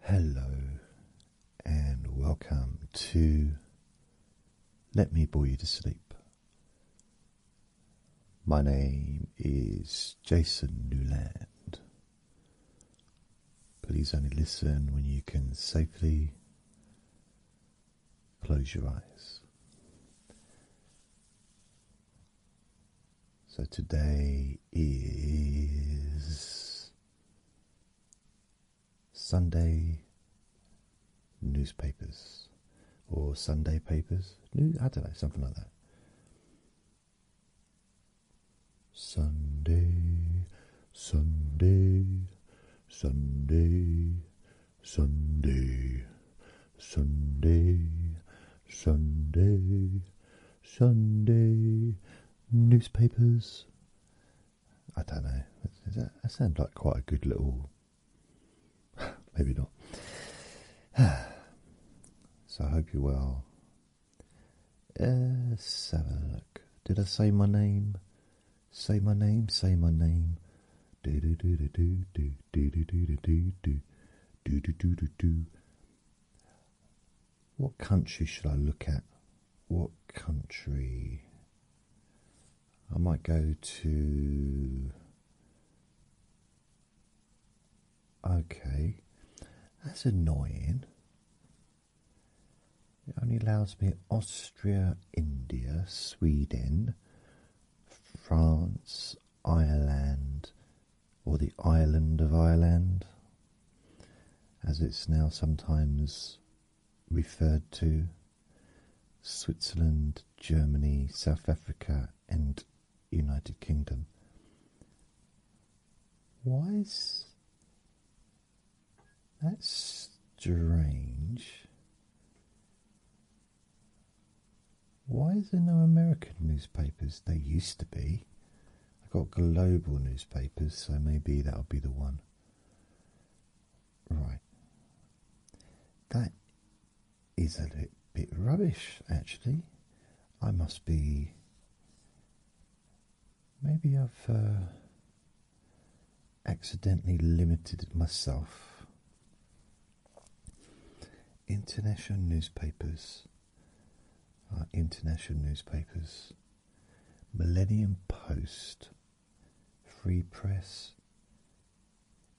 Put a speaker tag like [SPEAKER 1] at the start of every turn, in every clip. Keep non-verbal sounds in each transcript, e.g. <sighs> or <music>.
[SPEAKER 1] Hello, and welcome to Let Me Bore You to Sleep. My name is Jason Newland. Please only listen when you can safely close your eyes. So today is Sunday newspapers or Sunday papers. New, I don't know, something like that. Sunday, Sunday, Sunday, Sunday, Sunday, Sunday, Sunday newspapers. I don't know. That, that sounds like quite a good little. Maybe not. so I hope you're well. Uh, let's Did I say my name? Say my name. Say my name. Do do do do do do do do do do do do do do do do. What country should I look at? What country? I might go to. Okay, that's annoying. It only allows me Austria, India, Sweden, France, Ireland, or the island of Ireland, as it's now sometimes referred to, Switzerland, Germany, South Africa, and United Kingdom. Why is that strange? Why is there no American newspapers? They used to be. I've got global newspapers, so maybe that'll be the one. Right. That is a bit rubbish, actually. I must be. Maybe I've uh, accidentally limited myself. International newspapers international newspapers, Millennium Post, Free Press.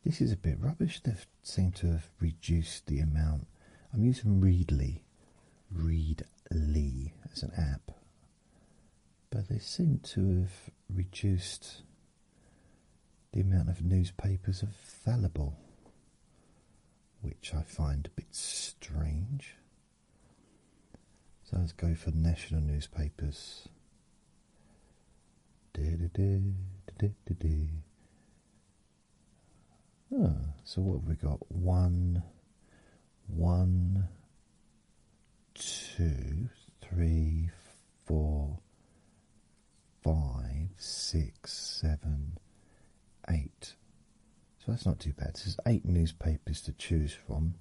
[SPEAKER 1] This is a bit rubbish. They seem to have reduced the amount. I'm using Readly, Readly as an app, but they seem to have reduced the amount of newspapers available, which I find a bit strange. So let's go for national newspapers. Ah, so what have we got? One, one, two, three, four, five, six, seven, eight. So that's not too bad. There's eight newspapers to choose from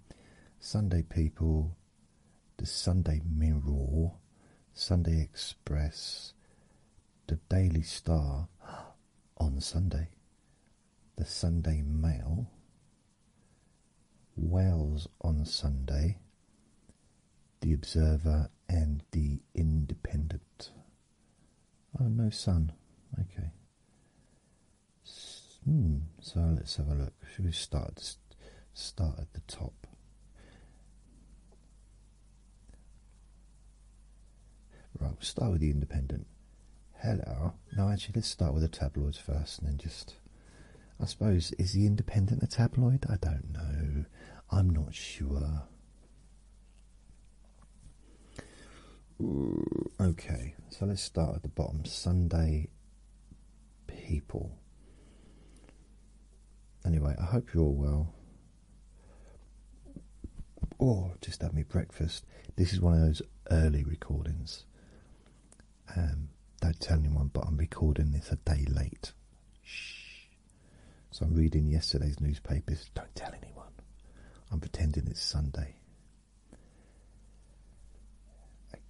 [SPEAKER 1] Sunday People, the Sunday Mirror, Sunday Express, the Daily Star <gasps> on Sunday, the Sunday Mail, Wales on Sunday, the Observer, and the Independent. Oh, no sun. Okay. Hmm. So let's have a look. Should we start start at the top? Right. We'll start with the Independent. Hello. No, actually, let's start with the tabloids first, and then just. I suppose is the Independent a tabloid? I don't know. I'm not sure okay, so let's start at the bottom. Sunday people. Anyway, I hope you're all well. Or oh, just have me breakfast. This is one of those early recordings. Um, don't tell anyone, but I'm recording this a day late. Shh. So I'm reading yesterday's newspapers. Don't tell anyone. I'm pretending it's Sunday.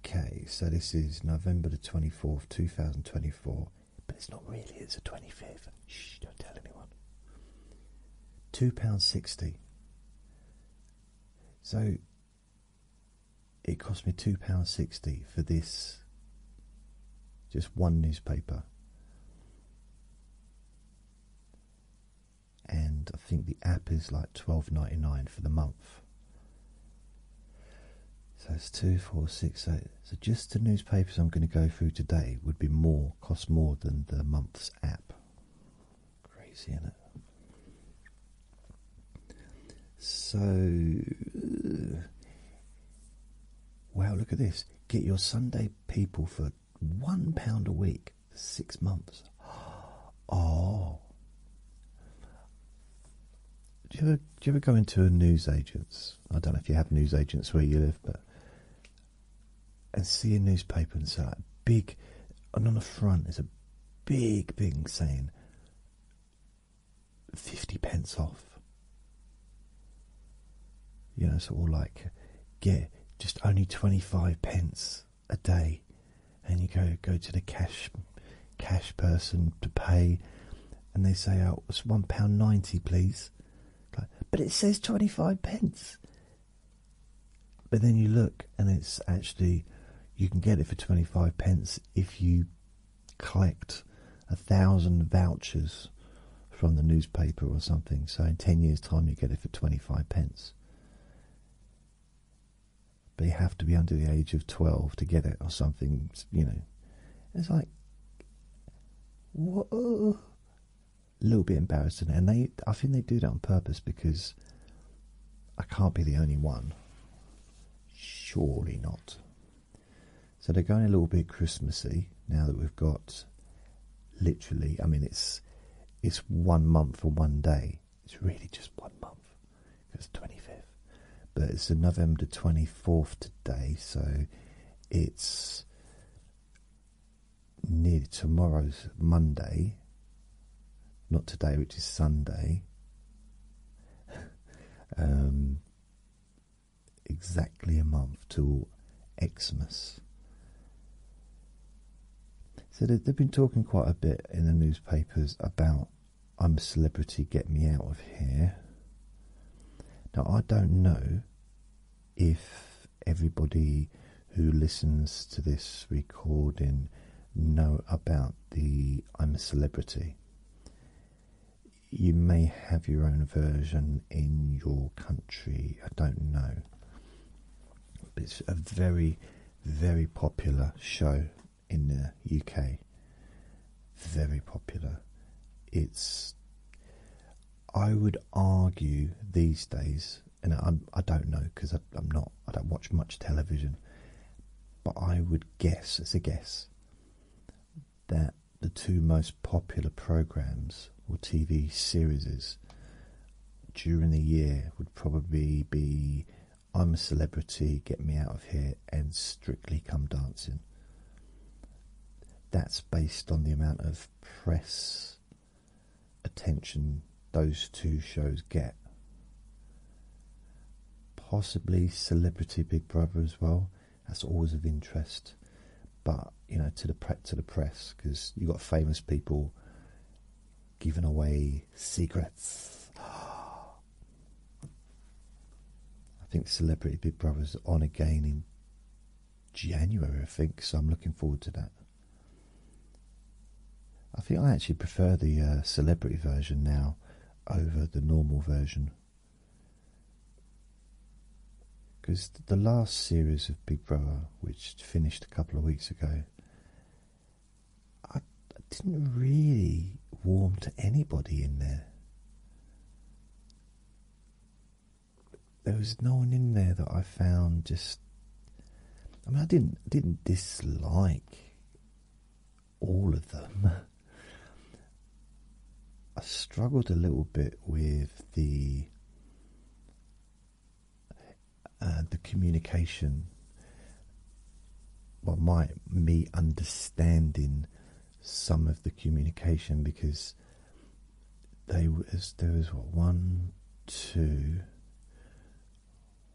[SPEAKER 1] Okay, so this is November the 24th, 2024, but it's not really, it's the 25th. Shh, don't tell anyone. £2.60. So it cost me £2.60 for this, just one newspaper and I think the app is like twelve ninety nine for the month. So it's two, four, six, eight. So just the newspapers I'm going to go through today would be more cost more than the month's app. Crazy, isn't it? So. Uh, wow, look at this. Get your Sunday people for one pound a week six months. <gasps> Oh. Do you, ever, go into a newsagent's? I don't know if you have newsagents where you live, but. And see a newspaper and say, like, big. And on the front is a big big saying 50 pence off. You know, sort of like, get just only 25 pence a day, and you go go to the cash cash person to pay, and they say, "Oh, it's one pound ninety, please," but it says twenty five pence. But then you look, and it's actually you can get it for twenty five pence if you collect a thousand vouchers from the newspaper or something. So in ten years' time, you get it for twenty five pence. They have to be under the age of 12 to get it or something, you know. It's like,
[SPEAKER 2] whoa,
[SPEAKER 1] a little bit embarrassing. And they, I think they do that on purpose because I can't be the only one. Surely not. So they're going a little bit Christmassy now that we've got literally, I mean, it's it's one month for one day. It's really just one month because twenty fifth, but it's November twenty fourth today, so it's nearly tomorrow's Monday. Not today, which is Sunday. <laughs> um, exactly a month to Xmas. So they've been talking quite a bit in the newspapers about I'm a celebrity, get me out of here. Now, I don't know if everybody who listens to this recording know about the I'm a celebrity. You may have your own version in your country, I don't know. It's a very, very popular show in the UK. Very popular. It's, I would argue these days, and I'm, I do not know because I'm not, I don't watch much television, but I would guess, as a guess, that the two most popular programs or TV series during the year would probably be I'm a celebrity, get me out of here, and strictly come dancing. That's based on the amount of press attention those two shows get. Possibly Celebrity Big Brother as well. That's always of interest, but you know to the to the press because you have got famous people giving away secrets. <gasps> I think Celebrity Big Brother's on again in January, I think, so I'm looking forward to that. I think I actually prefer the uh, celebrity version now over the normal version. Because the last series of Big Brother, which finished a couple of weeks ago, I, didn't really warm to anybody in there. There was no one in there that I found just. I mean, I didn't I didn't dislike all of them. <laughs> I struggled a little bit with the uh, the communication, well, might me understanding some of the communication because they was there was what one, two,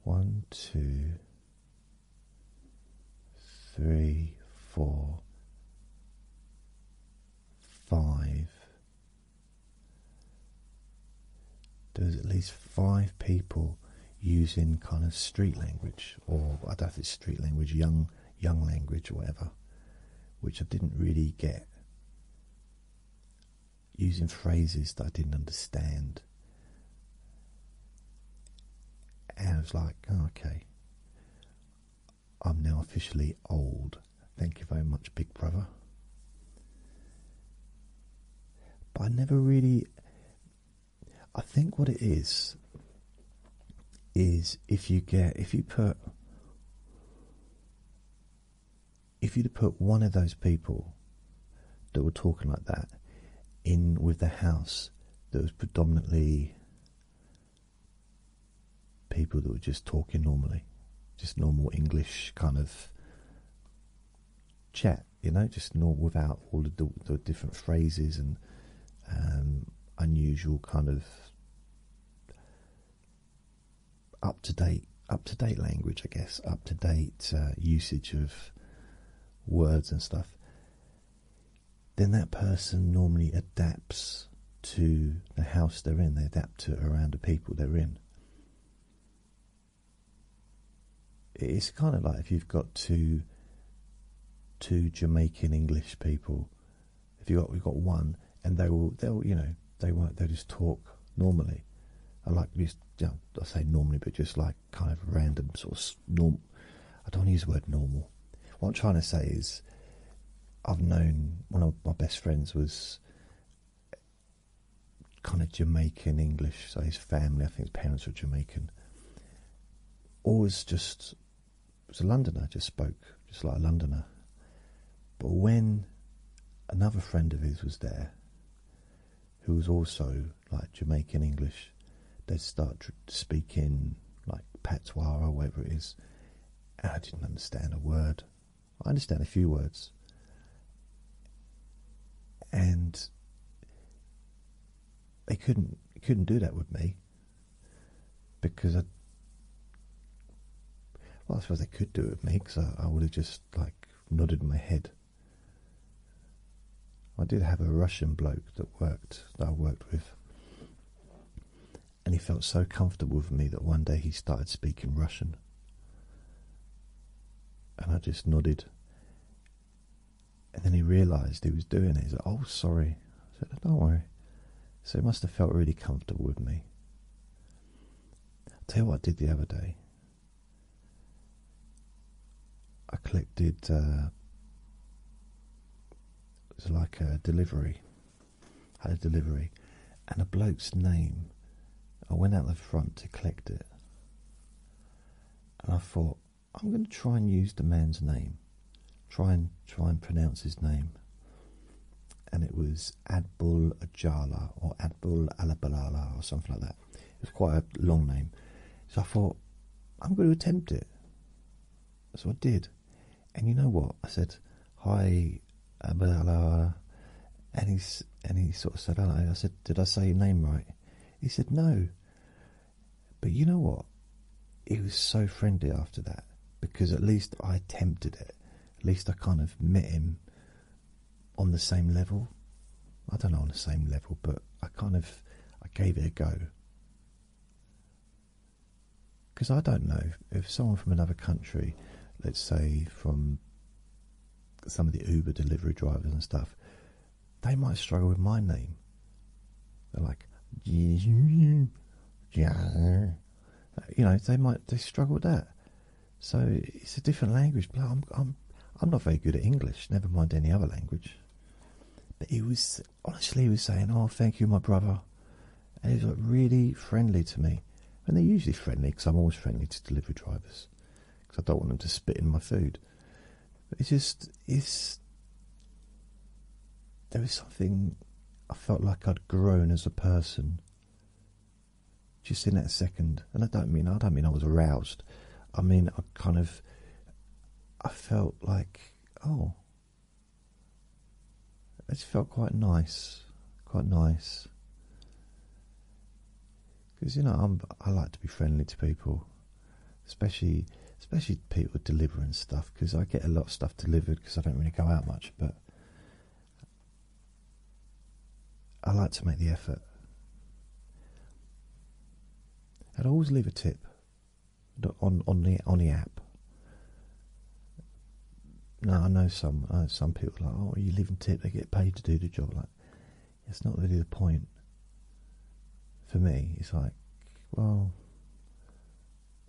[SPEAKER 1] one, two, three, four, five. There was at least five people using kind of street language, or I don't know it's street language, young young language, or whatever, which I didn't really get. Using phrases that I didn't understand. And I was like, oh, okay, I'm now officially old. Thank you very much, Big Brother. But I never really. I think what it is is if you get if you put if you'd put one of those people that were talking like that in with the house that was predominantly people that were just talking normally, just normal English kind of chat, you know, just not without all the, different phrases and um, unusual kind of up to date, up to date language, I guess, up to date uh, usage of words and stuff. Then that person normally adapts to the house they're in. They adapt to around the people they're in it's kind of like if you've got two two Jamaican English people, if you got we've got one, and they will they'll you know they won't they just talk normally, I like just you I say normally, but just like kind of random sort of normal. I don't use the word normal. What I'm trying to say is, I've known one of my best friends was kind of Jamaican English. So his family, I think his parents were Jamaican. Always just was a Londoner, just spoke just like a Londoner. But when another friend of his was there, who was also like Jamaican English, they'd start speaking like patois or whatever it is. And I didn't understand a word. I understand a few words, and they couldn't couldn't do that with me because I well I suppose they could do it with me because I, I would have just like nodded my head. I did have a Russian bloke that worked that I worked with and he felt so comfortable with me that one day he started speaking Russian and I just nodded. And then he realized he was doing it. He's like, Oh, sorry. I said, Don't worry. So he must have felt really comfortable with me. I'll tell you what I did the other day. I collected, uh, it was like a delivery. I had a delivery. And a bloke's name, I went out the front to collect it and I thought I'm going to try and use the man's name, try and try and pronounce his name, and it was Adbul Ajala or Adbul Alabalala or something like that. It's quite a long name, so I thought I'm going to attempt it. So I did, and you know what? I said hi, Abdullah, and he and he sort of said, "I said, did I say your name right?" He said, No. But you know what? He was so friendly after that because at least I attempted it. At least I kind of met him on the same level. I don't know on the same level, but I kind of I gave it a go. Because I don't know if someone from another country, let's say from some of the Uber delivery drivers and stuff, they might struggle with my name. They're like, <laughs> you know, they might they struggle with that. So it's a different language. But I'm I'm I'm not very good at English. Never mind any other language. But he was honestly he was saying, "Oh, thank you, my brother," and he was really friendly to me. And they're usually friendly because I'm always friendly to delivery drivers because I don't want them to spit in my food. But it's just it's there was something I felt like I'd grown as a person just in that second, and I don't mean I don't mean I was aroused. I mean I kind of I felt like oh. It felt quite nice, quite nice because you know i like to be friendly to people, especially especially people delivering stuff because I get a lot of stuff delivered because I don't really go out much, but I like to make the effort. I'd always leave a tip on on the on the app. Now I know some some people like oh you leave a tip they get paid to do the job like it's not really the point for me. It's like, well,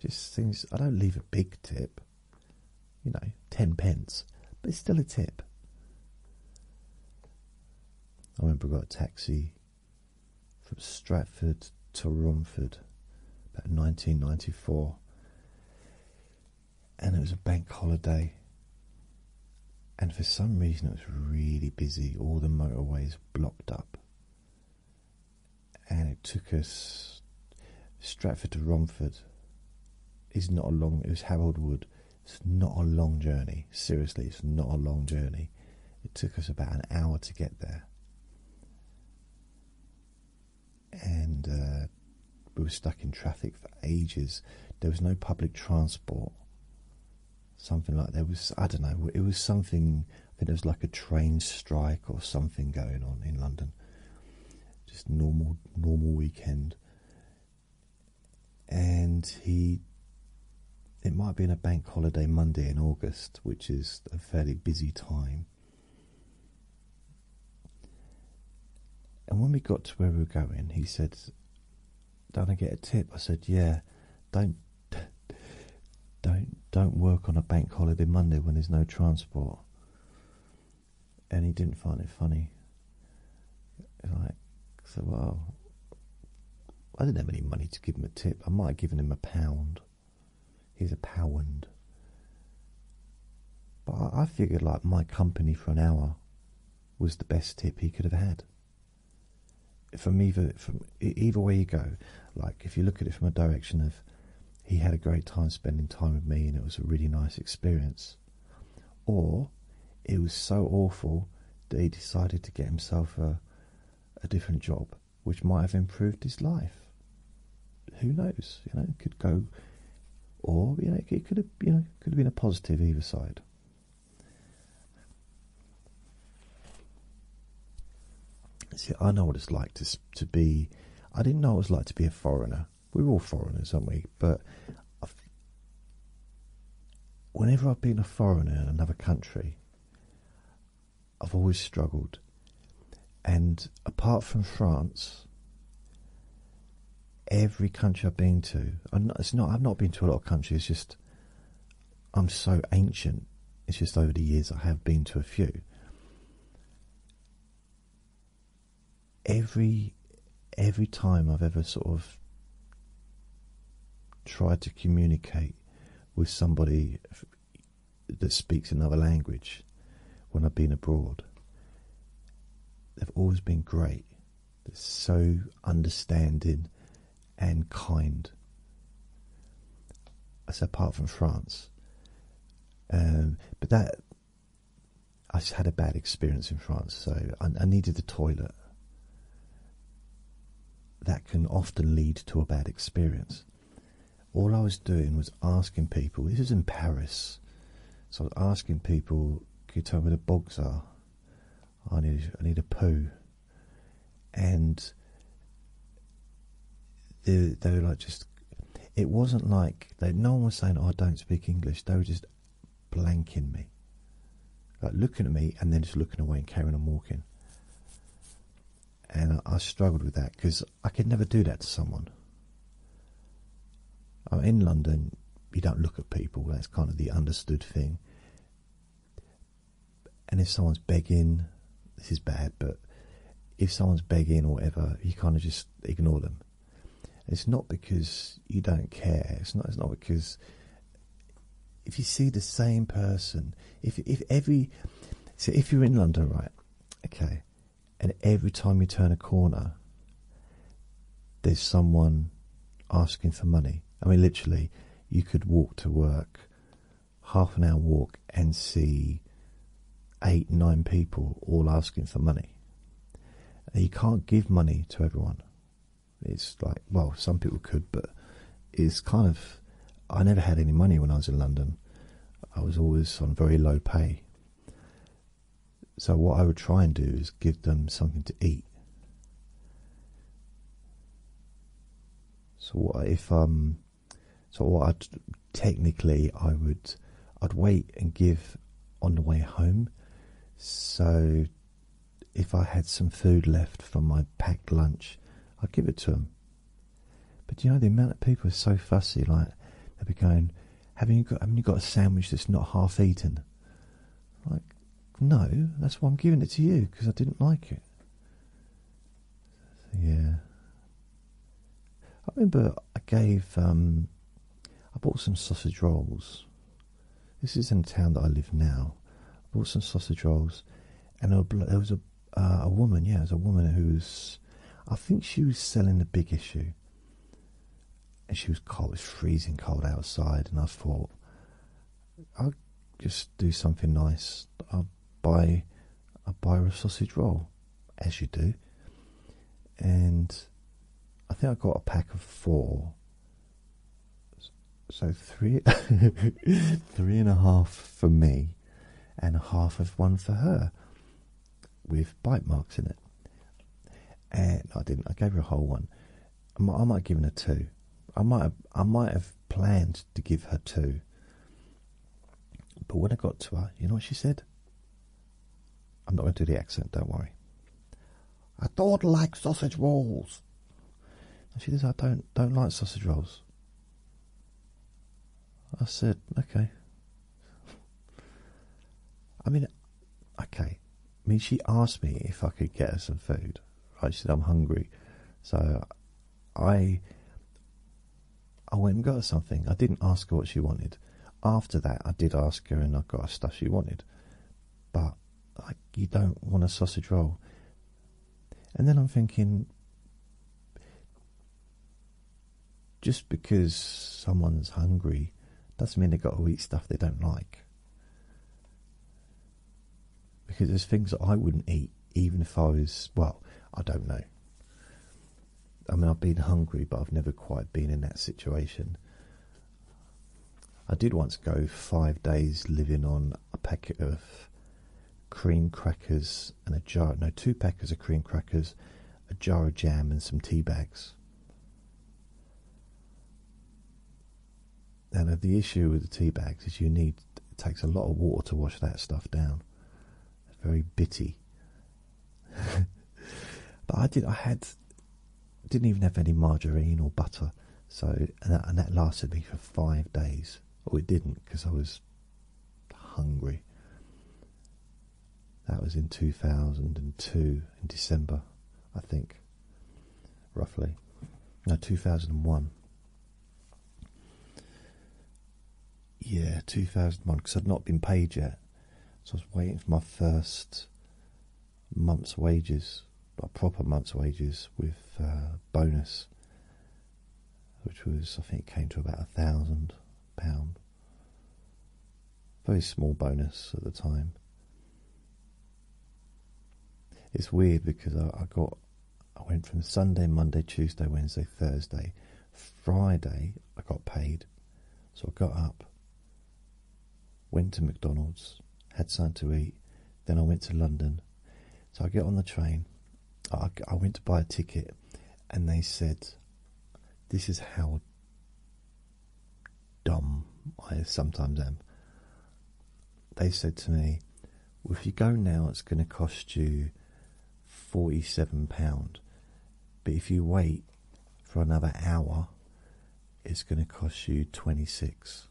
[SPEAKER 1] just things. I don't leave a big tip, you know, ten pence, but it's still a tip. I remember I got a taxi from Stratford to Romford about 1994 and it was a bank holiday and for some reason it was really busy. All the motorways blocked up, and it took us Stratford to Romford. Is not a long. It was Harold Wood. It's not a long journey. Seriously, it's not a long journey. It took us about an hour to get there, and uh, we were stuck in traffic for ages. There was no public transport something like there was I don't know it was something I think there was like a train strike or something going on in London just normal normal weekend and he it might be in a bank holiday Monday in August which is a fairly busy time and when we got to where we were going he said don't I get a tip? I said, yeah, don't, don't, don't work on a bank holiday Monday when there's no transport. And he didn't find it funny. Like, so well, I didn't have any money to give him a tip. I might have given him a pound. He's a pound. But I figured like my company for an hour was the best tip he could have had from either from either way you go, like if you look at it from a direction of he had a great time spending time with me and it was a really nice experience, or it was so awful that he decided to get himself a a different job which might have improved his life. Who knows? You know, it could go, or you know, it could have you know could have been a positive either side. See, I know what it's like to to be. I didn't know it was like to be a foreigner. We're all foreigners, aren't we? But whenever I've been a foreigner in another country, I've always struggled. And apart from France, every country I've been to, i have not been to a lot of countries. just I'm so ancient. It's just over the years I have been to a few. Every every time I've ever sort of tried to communicate with somebody that speaks another language when I've been abroad, they've always been great. They're so understanding and kind. I said apart from France, um, but that I just had a bad experience in France, so I, needed the toilet. That can often lead to a bad experience. All I was doing was asking people. This is in Paris, so I was asking people, "Can you tell me where the bogs are?" I need I need a poo, and they they were like just it wasn't like they no one was saying oh, I don't speak English. They were just blanking me, like looking at me and then just looking away and carrying on walking. And I, I struggled with that because I could never do that to someone. I'm in London. You don't look at people. That's kind of the understood thing and if someone's begging, this is bad, but if someone's begging or whatever, you kind of just ignore them. It's not because you don't care. It's not. It's not because if you see the same person, if if every, so if you're in London, right? Okay, and every time you turn a corner, there's someone asking for money. I mean, literally, you could walk to work, half an hour walk, and see eight, nine people all asking for money. You can't give money to everyone. It's like, well, some people could, but it's kind of. I never had any money when I was in London. I was always on very low pay. So, what I would try and do is give them something to eat. So if um, so what technically I would, I'd wait and give on the way home. So if I had some food left from my packed lunch, I'd give it to them. But you know the amount of people are so fussy. Like they'd be going, have you got? Haven't you got a sandwich that's not half eaten?" Like no, that's why I'm giving it to you, because I didn't like it. Yeah. I remember I gave, um, I bought some sausage rolls. This is in the town that I live now. I bought some sausage rolls, and there was a uh, a woman, yeah, there was a woman who was, I think she was selling the big issue. And she was cold, it was freezing cold outside, and I thought, I'll just do something nice. I'll buy, a will buy a sausage roll, as you do. And I think I got a pack of four. So three, <laughs> three and a half for me, and half of one for her, with bite marks in it. And I didn't. I gave her a whole one, I might, I have given her two. I might have, I might have planned to give her two. But when I got to her, you know what she said? I'm not going to do the accent, don't worry. I don't like sausage rolls. she says, I don't don't like sausage rolls. I said, okay. <laughs> I mean, okay. I mean, she asked me if I could get her some food. I said, I'm hungry. So I I went and got something. I didn't ask her what she wanted. After that, I did ask her and I got her stuff she wanted. But I, you don't want a sausage roll. And then I'm thinking, just because someone's hungry doesn't mean they've got to eat stuff they don't like. Because there's things that I wouldn't eat, even if I was, well, I don't know. I mean, I've been hungry, but I've never quite been in that situation. I did once go five days living on a packet of cream crackers and a jar, no, two packets of cream crackers, a jar of jam, and some tea bags. And the issue with the tea bags is you need it takes a lot of water to wash that stuff down. very bitty. <laughs> but I did. I had didn't even have any margarine or butter. So and that, lasted me for five days. Or oh, it didn't because I was hungry. That was in two thousand and two in December, I think. Roughly, no, two thousand and one. Yeah, 2001, because I'd not been paid yet. So I was waiting for my first month's wages, like proper month's wages with uh, bonus, which was, I think, came to about a thousand pound. Very small bonus at the time. It's weird because I got I went from Sunday, Monday, Tuesday, Wednesday, Thursday. Friday, I got paid. So I got up, went to McDonald's, had something to eat. Then I went to London. So I get on the train. I, I went to buy a ticket, and they said, This is how dumb I sometimes am they said to me, well, if you go now, it's going to cost you £47. But if you wait for another hour, it's going to cost you 26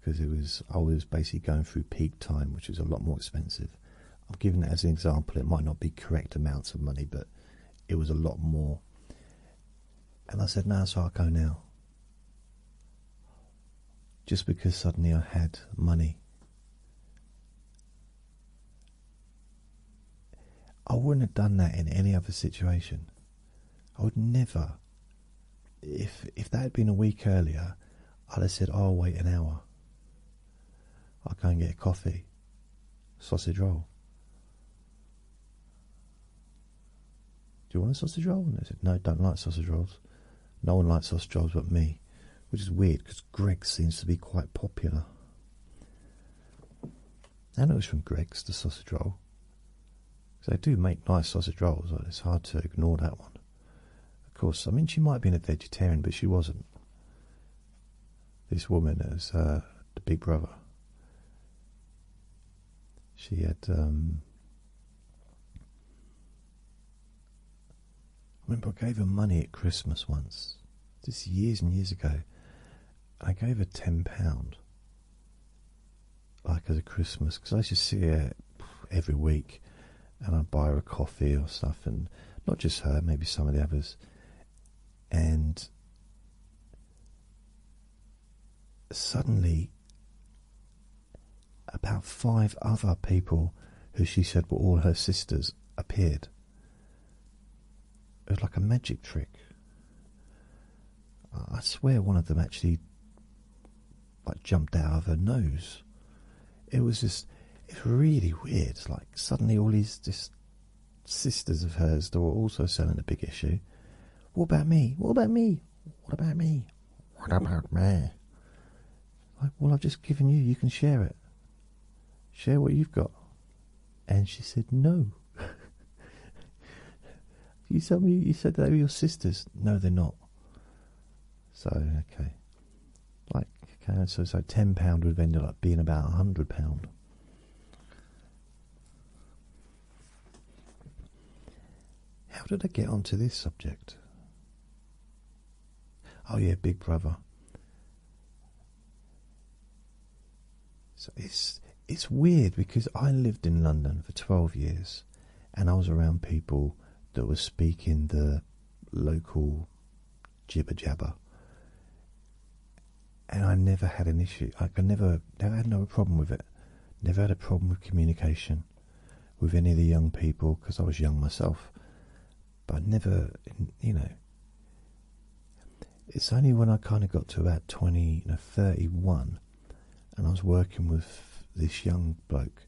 [SPEAKER 1] because it was I was basically going through peak time, which is a lot more expensive. I've given that as an example. It might not be correct amounts of money, but it was a lot more. And I said, "No, so I'll go now." just because suddenly I had money. I wouldn't have done that in any other situation. I would never. If if that had been a week earlier, I'd have said, oh, "I'll wait an hour. I'll go and get a coffee, sausage roll." Do you want a sausage roll? And I said, No, don't like sausage rolls. No one likes sausage rolls but me. Which is weird because Greg seems to be quite popular. And it was from Greg's, the sausage roll. Because they do make nice sausage rolls, like it's hard to ignore that one. Of course, I mean, she might have been a vegetarian, but she wasn't. This woman is uh, the big brother she had um, I remember I gave her money at Christmas once. This years and years ago. I gave her ten pound, like as a Christmas, because I used to see her every week, and I'd buy her a coffee or stuff, and not just her, maybe some of the others, and suddenly about five other people, who she said were all her sisters, appeared. It was like a magic trick. I swear one of them actually like jumped out of her nose. It was just it's really weird. It's like suddenly all these sisters of hers that were also selling a big issue. What about me? What about me? What about me? What about me? Like, well, I've just given you, you can share it. Share what you've got. And she said, No. <laughs> you told me you said they were your sisters. No, they're not. So, okay. Like, okay, so, so £10 would have ended up being about £100. How did I get onto this subject? Oh, yeah, Big Brother. So it's it's weird because I lived in London for 12 years and I was around people that were speaking the local jibber jabber. And I never had an issue. Like I never, never had no problem with it. Never had a problem with communication with any of the young people because I was young myself. But never, you know, it's only when I kind of got to about 20, you 31, and I was working with this young bloke,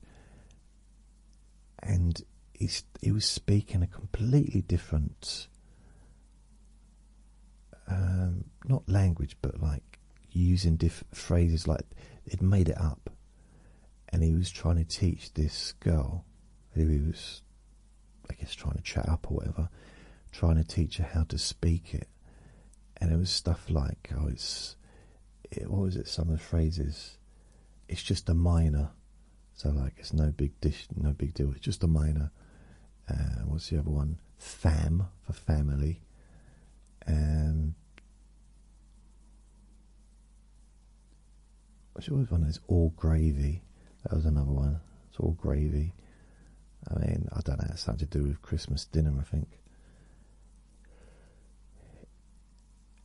[SPEAKER 1] and he, he was speaking a completely different. Um, not language, but like using different phrases like it made it up and he was trying to teach this girl he was, I guess, trying to chat up or whatever, trying to teach her how to speak it. And it was stuff like, oh, it's, what was it? Some of the phrases, it's just a minor. So like, it's no big dish, no big deal. It's just a minor. Uh, what's the other one? Fam for family. And um, I which always one is all gravy. That was another one. It's all gravy. I mean, I don't know. It's something to do with Christmas dinner, I think.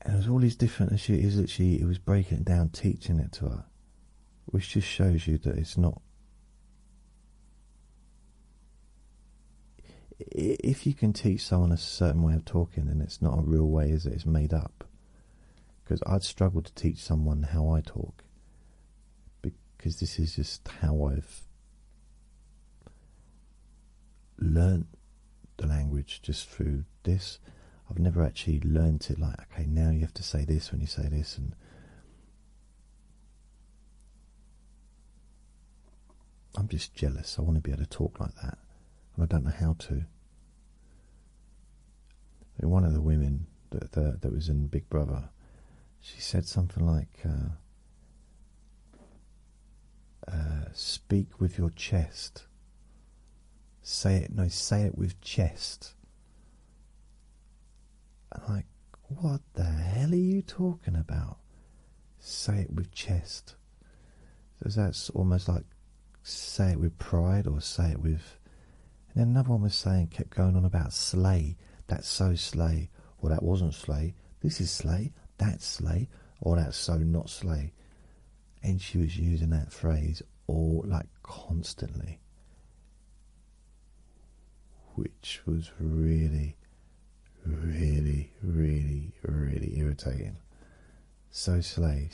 [SPEAKER 1] And it was all these different issues. that she it was breaking it down, teaching it to her, which just shows you that it's not if you can teach someone a certain way of talking, then it's not a real way, is It's made up. Because I'd struggle to teach someone how I talk, because this is just how I've learnt the language just through this. I've never actually learnt it like, okay, now you have to say this when you say this, and I'm just jealous. I want to be able to talk like that, and I don't know how to. And one of the women that, that was in Big Brother, she said something like, uh, uh, "Speak with your chest. Say it. No, say it with chest." And i what the hell are you talking about? Say it with chest so that's almost like say it with pride or say it with. And another one was saying, kept going on about sleigh. That's so sleigh. Or that wasn't sleigh. This is sleigh. That's sleigh. Oh, or that's so not sleigh. And she was using that phrase all like constantly. Which was really really, really, really irritating. So silly.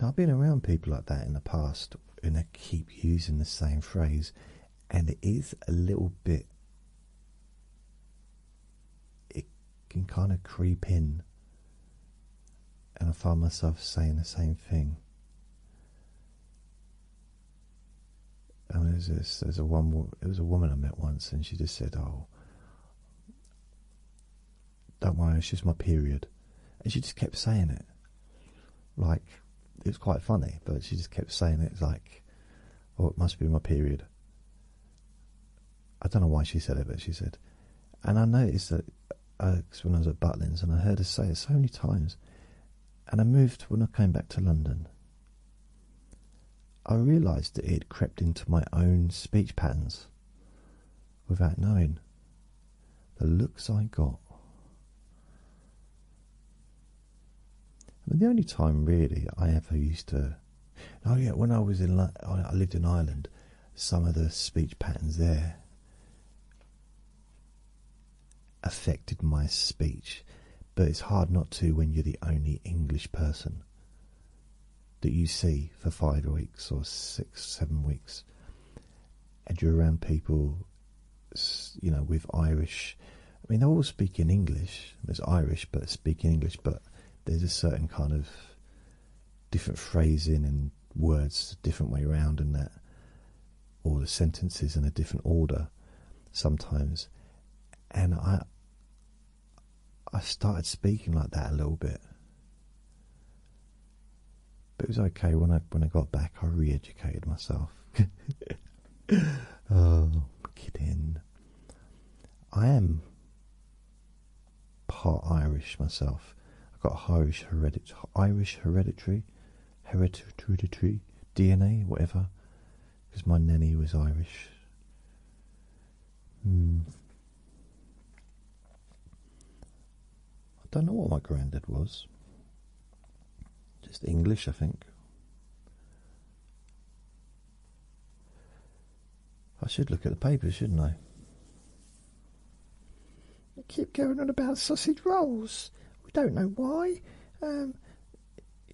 [SPEAKER 1] now I've been around people like that in the past, and I keep using the same phrase, and it is a little bit. It can kind of creep in, and I find myself saying the same thing. And there's this, there's a one. It was a woman I met once, and she just said, "Oh, don't worry, it's just my period," and she just kept saying it. Like it was quite funny, but she just kept saying it like, "Oh, it must be my period." I don't know why she said it, but she said, and I noticed that uh, when I was at Butlins, and I heard her say it so many times, and I moved when I came back to London I realized that it crept into my own speech patterns without knowing. The looks I got. I mean, the only time really I ever used to. Oh yeah, when I was in, I lived in Ireland. Some of the speech patterns there affected my speech but it's hard not to when you're the only English person that you see for five weeks or six, seven weeks, and you're around people, you know, with Irish. I mean, they all speak in English. There's Irish, but speak in English, but there's a certain kind of different phrasing and words, a different way around, and that, or the sentences in a different order sometimes. And I, I started speaking like that a little bit. But it was okay when I when I got back. I re-educated myself. <laughs> oh, I'm kidding. I am part Irish myself. I've got Irish hereditary, Irish hereditary, hereditary DNA, whatever. Because my nanny was Irish. Hmm. I don't know what my granddad was. Just English, I think. I should look at the papers, shouldn't I? You keep going on about sausage rolls. We don't know why. Um,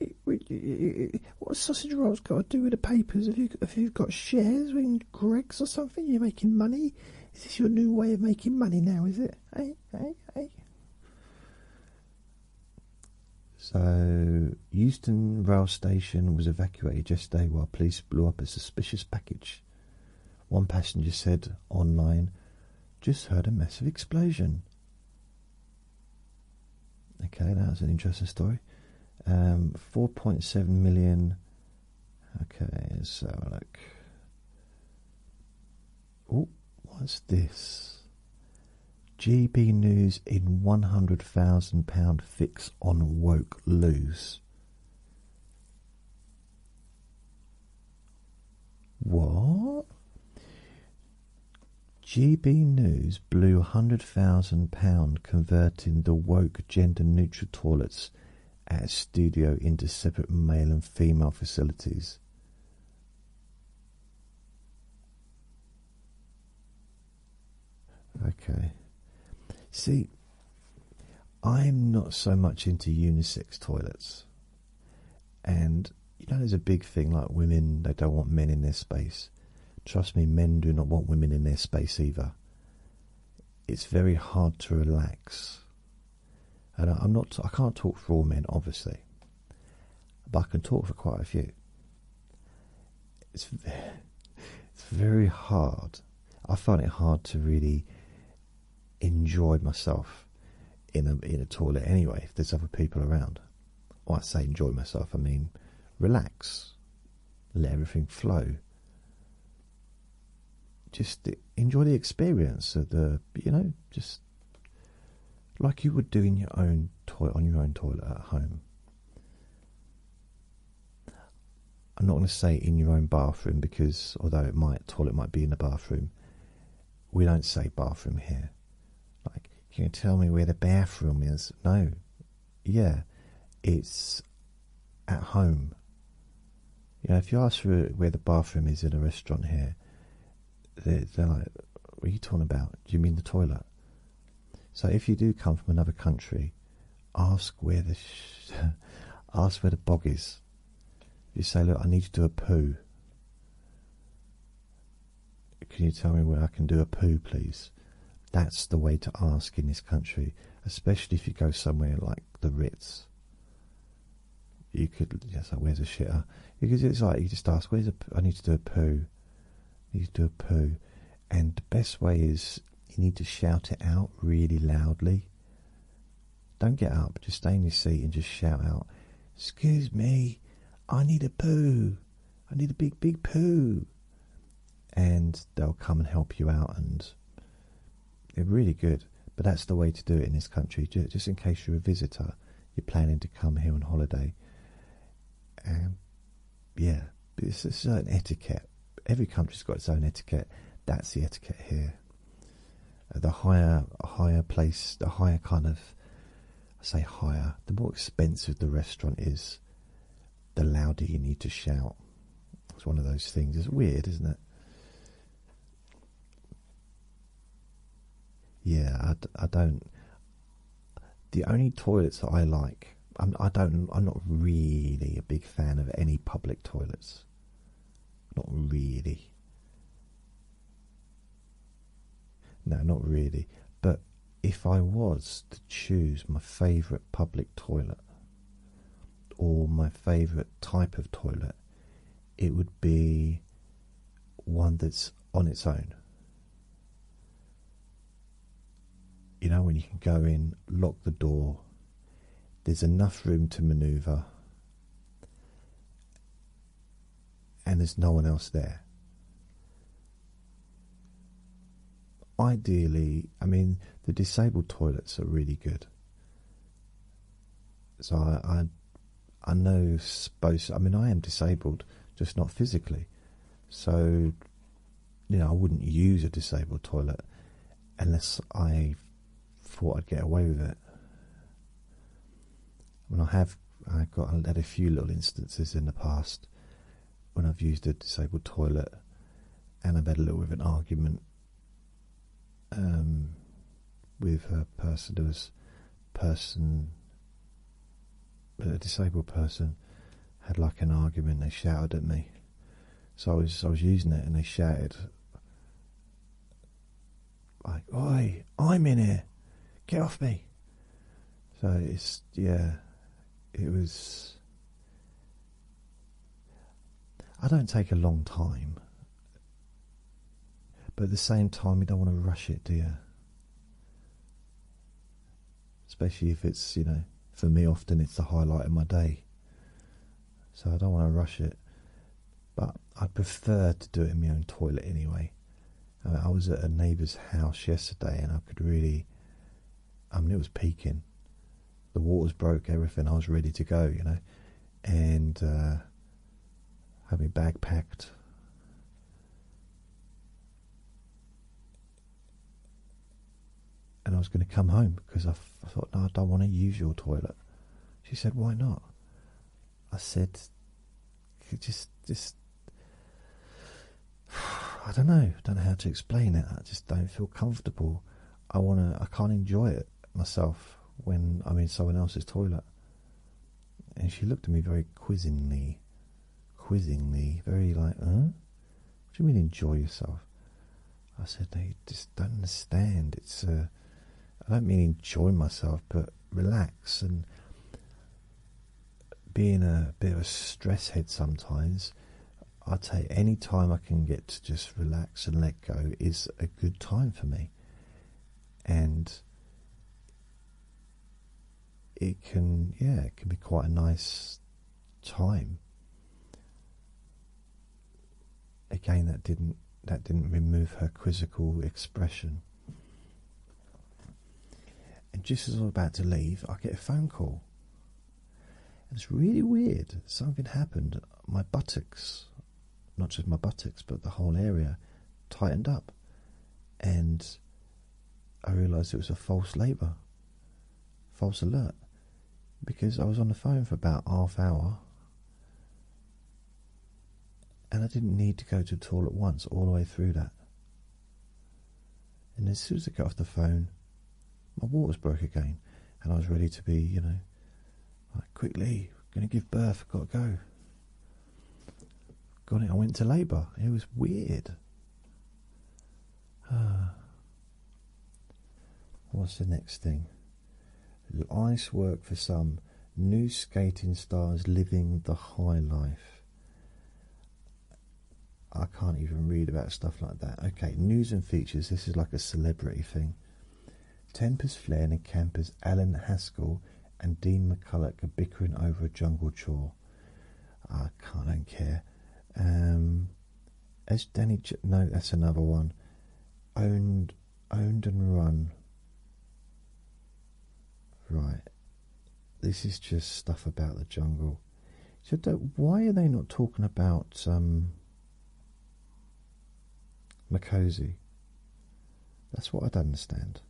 [SPEAKER 1] it, it, what sausage rolls got to do with the papers? If you if you've got shares in Greg's or something, you're making money. Is this your new way of making money now? Is it? Hey, hey, hey. So, Euston Rail Station was evacuated yesterday while police blew up a suspicious package. One passenger said online, "Just heard a massive explosion." Okay, that was an interesting story. Um, 4.7 million. Okay, so look. Oh, what's this? GB News in £100,000 fix on woke lose. What? GB News blew £100,000 converting the woke gender-neutral toilets at studio into separate male and female facilities. Okay. See, I'm not so much into unisex toilets. And, you know, there's a big thing like women, they don't want men in their space. Trust me, men do not want women in their space either. It's very hard to relax. And I, am not, I can't talk for all men, obviously, but I can talk for quite a few. It's, it's very hard. I find it hard to really enjoy myself in a in a toilet anyway. If there's other people around, well, I say enjoy myself. I mean relax let everything flow. Just enjoy the experience of the, you know, just like you would do in your own toilet, on your own toilet at home. I'm not going to say in your own bathroom because although it might toilet might be in the bathroom, we don't say bathroom here. Like, can you tell me where the bathroom is? No, yeah, it's at home. You know, if you ask for where the bathroom is in a restaurant here, they're, like, what are you talking about? Do you mean the toilet? So if you do come from another country, ask where the <laughs> ask where the bog is. You say, look, I need to do a poo. Can you tell me where I can do a poo, please? That's the way to ask in this country, especially if you go somewhere like the Ritz. You could just like, where's a shitter? Because it's like you just ask, where's a? I need to do a poo. I need to do a poo, and the best way is you need to shout it out really loudly. Don't get up. Just stay in your seat and just shout out. Excuse me, I need a poo. I need a big, big poo. And they'll come and help you out, and they're really good. But that's the way to do it in this country. Just in case you're a visitor, you're planning to come here on holiday. Um, yeah, it's a certain etiquette. Every country's got its own etiquette. That's the etiquette here. Uh, the higher, higher place, the higher kind of, I say higher. The more expensive the restaurant is, the louder you need to shout. It's one of those things. It's weird, isn't it? Yeah, I, don't. The only toilets that I like, I'm, i do I'm not really a big fan of any public toilets. Not really. No, not really. But if I was to choose my favourite public toilet or my favourite type of toilet, it would be one that's on its own. You know, when you can go in, lock the door, there's enough room to maneuver, and there's no one else there. Ideally, I mean, the disabled toilets are really good. So I, I, know supposed. I mean, I am disabled, just not physically. So, you know, I wouldn't use a disabled toilet unless I thought I'd get away with it. I mean, I have. I got had a few little instances in the past when I've used a disabled toilet and I've had a little bit of an argument um, with a person who was person a disabled person had like an argument they shouted at me so I was I was using it and they shouted like oi I'm in here get off me so it's yeah it was I don't take a long time, but at the same time, you don't want to rush it, do Especially if it's, you know, for me, often it's the highlight of my day, so I don't want to rush it. But I prefer to do it in my own toilet anyway. I was at a neighbour's house yesterday, and I could really I mean, it was peaking. The waters broke, everything. I was ready to go, you know, and uh, had my bag packed. And I was going to come home because I, I thought, no, I don't want to use your toilet. She said, why not? I said, just, just, <sighs> I don't know. Don't know how to explain it. I just don't feel comfortable. I wanna. I can't enjoy it myself when I'm in someone else's toilet. And she looked at me very quizzingly, quizzingly, very like, huh? What do you mean enjoy yourself? I said, no, you just don't understand. It's uh, I don't mean enjoy myself, but relax and being a bit of a stress head sometimes. I take any time I can get to just relax and let go is a good time for me, and it can yeah it can be quite a nice time. Again, that didn't that didn't remove her quizzical expression. And just as I'm about to leave, I get a phone call it's really weird. Something happened. My buttocks, not just my buttocks, but the whole area tightened up. And I realized it was a false labor, false alert, because I was on the phone for about half hour. And I didn't need to go to the toilet once all the way through that. And as soon as I got off the phone, my waters broke again, and I was ready to be, you know, like quickly going to give birth. I've got to go. Got it. I went to labour. It was weird. Ah. <sighs> What's the next thing? Ice work for some. New skating stars living the high life. I can't even read about stuff like that. Okay, news and features. This is like a celebrity thing. Tempers Flynn and campers Alan Haskell and Dean McCulloch are bickering over a jungle chore. I can't, I don't care. Um, as Danny, Ch no, that's another one. Owned, owned and run. Right, this is just stuff about the jungle. So why are they not talking about um, Makosi? That's what I don't understand.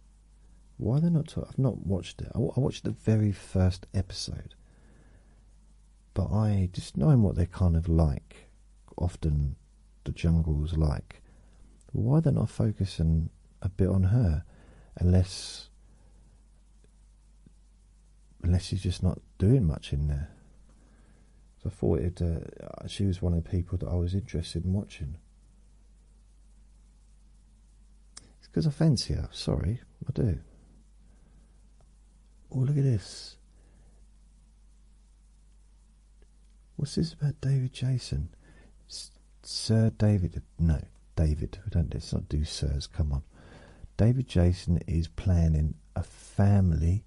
[SPEAKER 1] Why are they not talking? I've not watched it. I, watched the very first episode, but I just knowing what they're kind of like. Often, the jungle's like. Why are they not focusing a bit on her, unless unless she's just not doing much in there. So I thought uh, she was one of the people that I was interested in watching. It's because I fancy her. Sorry, I do. Oh, look at this. What's this about David Jason? Sir David, no, David. don't. Let's not do sirs. Come on. David Jason is planning a family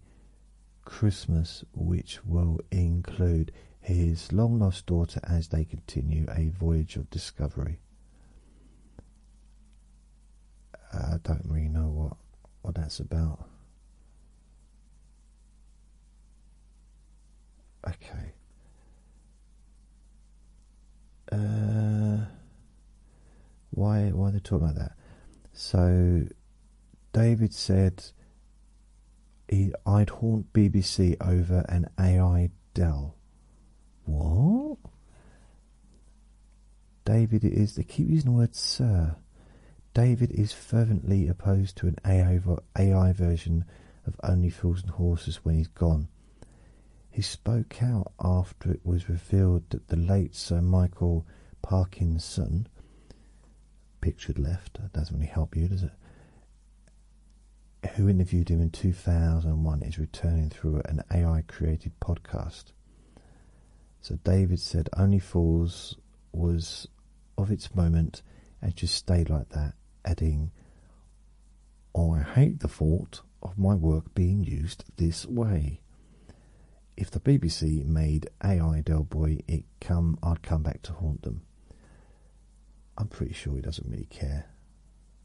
[SPEAKER 1] Christmas which will include his long lost daughter as they continue a voyage of discovery. Uh, I don't really know what, what that's about. Okay. Uh, why, why are they talking like that? So, David said he, I'd haunt BBC over an AI Dell. What? David is, they keep using the word sir. David is fervently opposed to an AI, AI version of Only Fools and Horses when he's gone. He spoke out after it was revealed that the late Sir Michael Parkinson, pictured left, doesn't really help you, does it? Who interviewed him in 2001 is returning through an AI created podcast. So David said, Only Fools was of its moment and just stayed like that, adding, Oh, I hate the thought of my work being used this way. If the BBC made AI Del Boy, it come I'd come back to haunt them. I'm pretty sure he doesn't really care.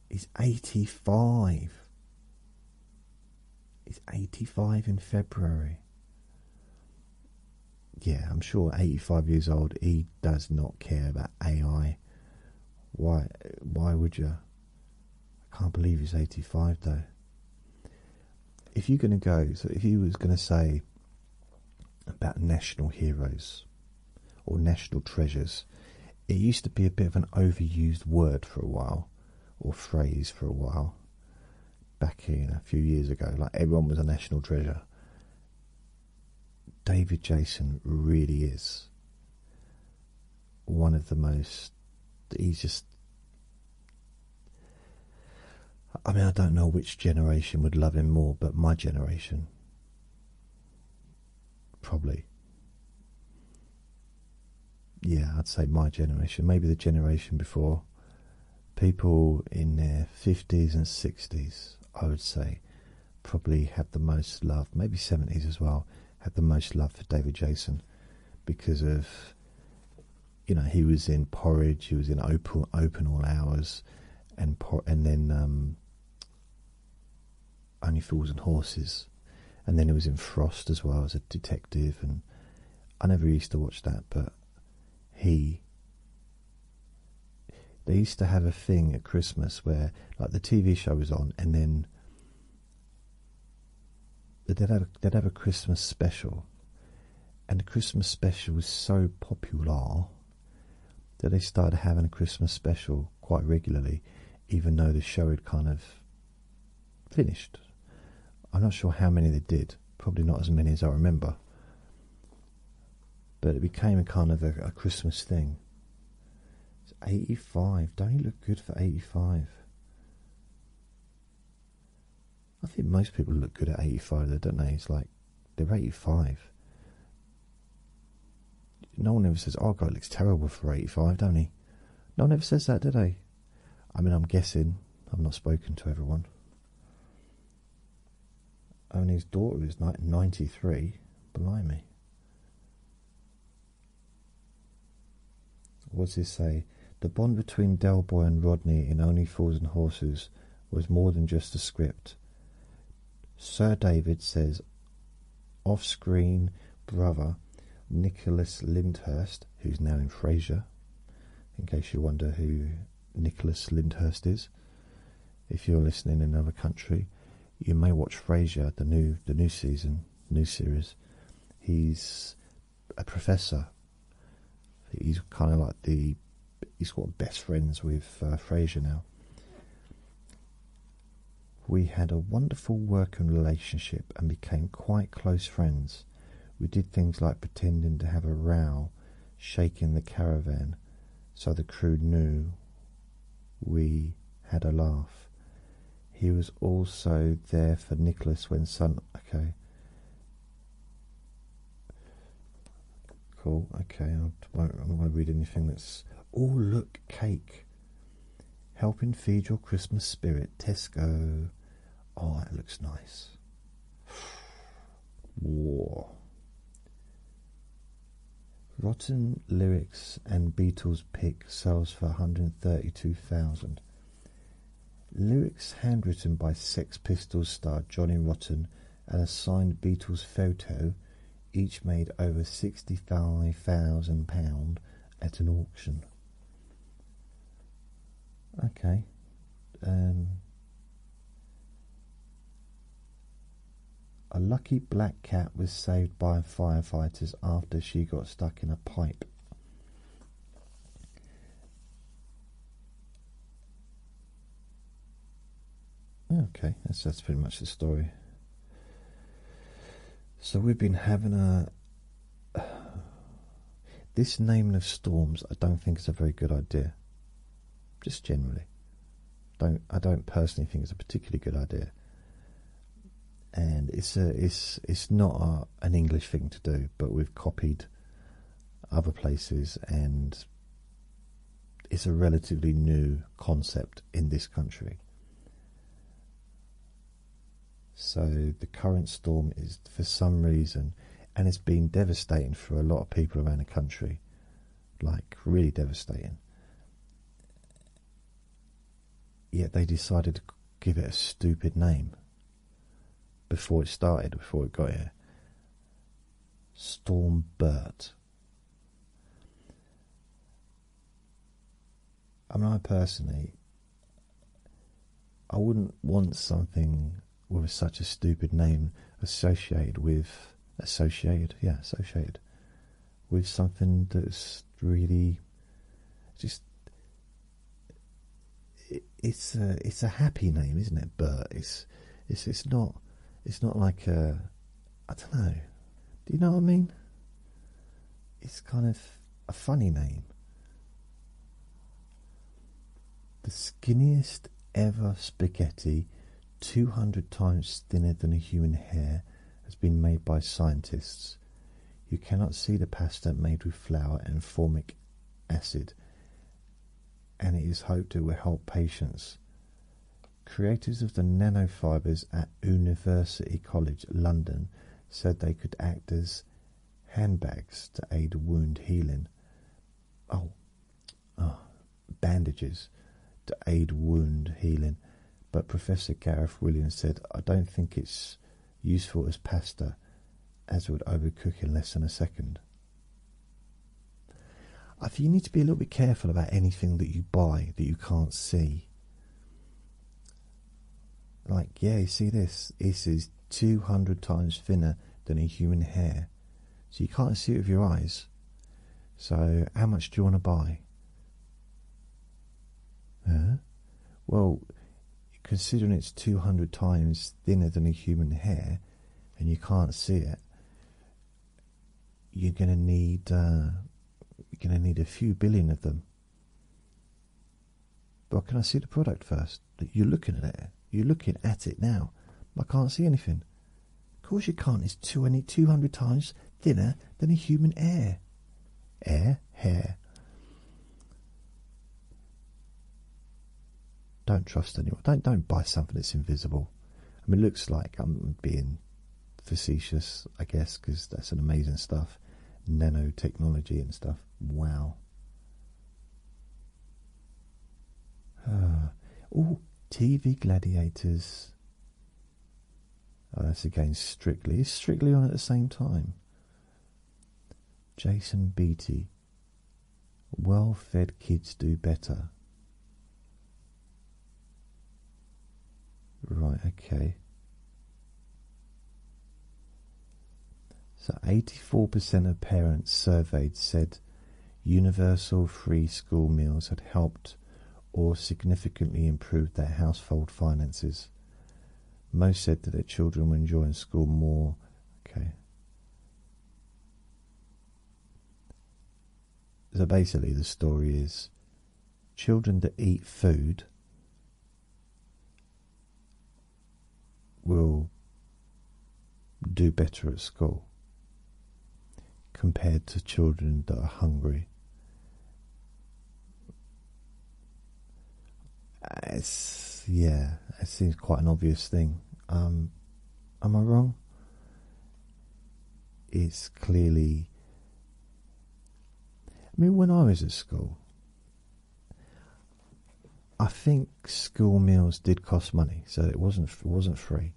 [SPEAKER 1] He's 85. He's 85 in February. Yeah, I'm sure 85 years old, he does not care about AI. Why? Why would you? I can't believe he's 85 though. If you're going to go, so if he was going to say about national heroes or national treasures, it used to be a bit of an overused word for a while or phrase for a while back in a few years ago. Like everyone was a national treasure. David Jason really is one of the most he just I mean I don't know which generation would love him more but my generation probably yeah I'd say my generation maybe the generation before people in their 50s and 60s I would say probably had the most love maybe 70s as well had the most love for David Jason because of you know he was in porridge, he was in open open all hours, and and then um, only fools and horses, and then he was in Frost as well as a detective, and I never used to watch that, but he. They used to have a thing at Christmas where, like, the TV show was on, and then they'd have, a Christmas special, and the Christmas special was so popular that they started having a Christmas special quite regularly, even though the show had kind of finished. I'm not sure how many they did, probably not as many as I remember. But it became a kind of a, Christmas thing. It's 85. Don't he look good for 85? I think most people look good at 85, though, don't they? It's like they're 85. No one ever says, "Oh, guy looks terrible for 85," don't he? No one ever says that, do they? I mean, I'm guessing. I've not spoken to everyone. I his daughter is like 93. Blimey. What does he say? The bond between Del Boy and Rodney in Only Fools and Horses was more than just a script. Sir David says off screen brother Nicholas Lyndhurst, who's now in Fraser. in case you wonder who Nicholas Lyndhurst is. If you're listening in another country, you may watch Fraser the new the new season, new series. He's a professor. He's kind of like the he's got best friends with uh, Fraser now. We had a wonderful working relationship and became quite close friends. We did things like pretending to have a row, shaking the caravan, so the crew knew we had a laugh. He was also there for Nicholas when Sun. Okay. Cool. Okay. I won't, I to read anything that's. Oh, look, cake. Helping feed your Christmas spirit, Tesco. Oh, it looks nice. War. Rotten lyrics and Beatles pick sells for 132,000. Lyrics handwritten by Sex Pistols star Johnny Rotten and a signed Beatles photo each made over £65,000 at an auction. Okay. Um, a lucky black cat was saved by firefighters after she got stuck in a pipe. Okay, that's pretty much the story. So we've been having a. <sighs> this naming of storms, I don't think is a very good idea. Just generally, don't I don't personally think it's a particularly good idea and it's a it's it's not an English thing to do, but we've copied other places, and it's a relatively new concept in this country. So the current storm is for some reason, and it's been devastating for a lot of people around the country, like really devastating. Yet they decided to give it a stupid name before it started, before it got here. Storm Bert. I mean, I personally, I wouldn't want something with such a stupid name associated with associated, yeah, associated with something that's really just it's a it's a happy name, isn't it? Bert. It's it's it's not it's not like a I don't know. Do you know what I mean? It's kind of a funny name. The skinniest ever spaghetti, 200 times thinner than a human hair, has been made by scientists. You cannot see the pasta made with flour and formic acid, and it is hoped it will help patients. Creators of the nanofibers at University College London said they could act as handbags to aid wound healing. Oh, ah, bandages to aid wound healing. But Professor Gareth Williams said, I don't think it's useful as pasta, as it would overcook in less than a second. I think you need to be a little bit careful about anything that you buy that you can't see. Like, yeah, you see this? This is 200 times thinner than a human hair. So you can't see it with your eyes. So, how much do you want to buy? Huh? Well, considering it's 200 times thinner than a human hair and you can't see it, you're going to need uh, you're going to need a few billion of them. But can I see the product first? You're looking at it. You're looking at it now. I can't see anything. Of course you can't. It's 20, 200 times thinner than a human hair. Air? hair. Don't trust anyone. Don't don't buy something that's invisible. I mean, it looks like I'm being facetious, I guess, because that's an amazing stuff. Nanotechnology and stuff. Wow. <sighs> Oh, TV Gladiators. Oh, that's again Strictly. Strictly on at the same time? Jason Beatty Well fed kids do better. Right, okay. So 84% of parents surveyed said universal free school meals had helped or significantly improved their household finances. Most said that their children were enjoying school more Okay. So basically, the story is children that eat food will do better at school compared to children that are hungry it's yeah, it seems quite an obvious thing. Um, am I wrong? It's clearly. I mean, when I was at school, I think school meals did cost money, so it wasn't it wasn't free.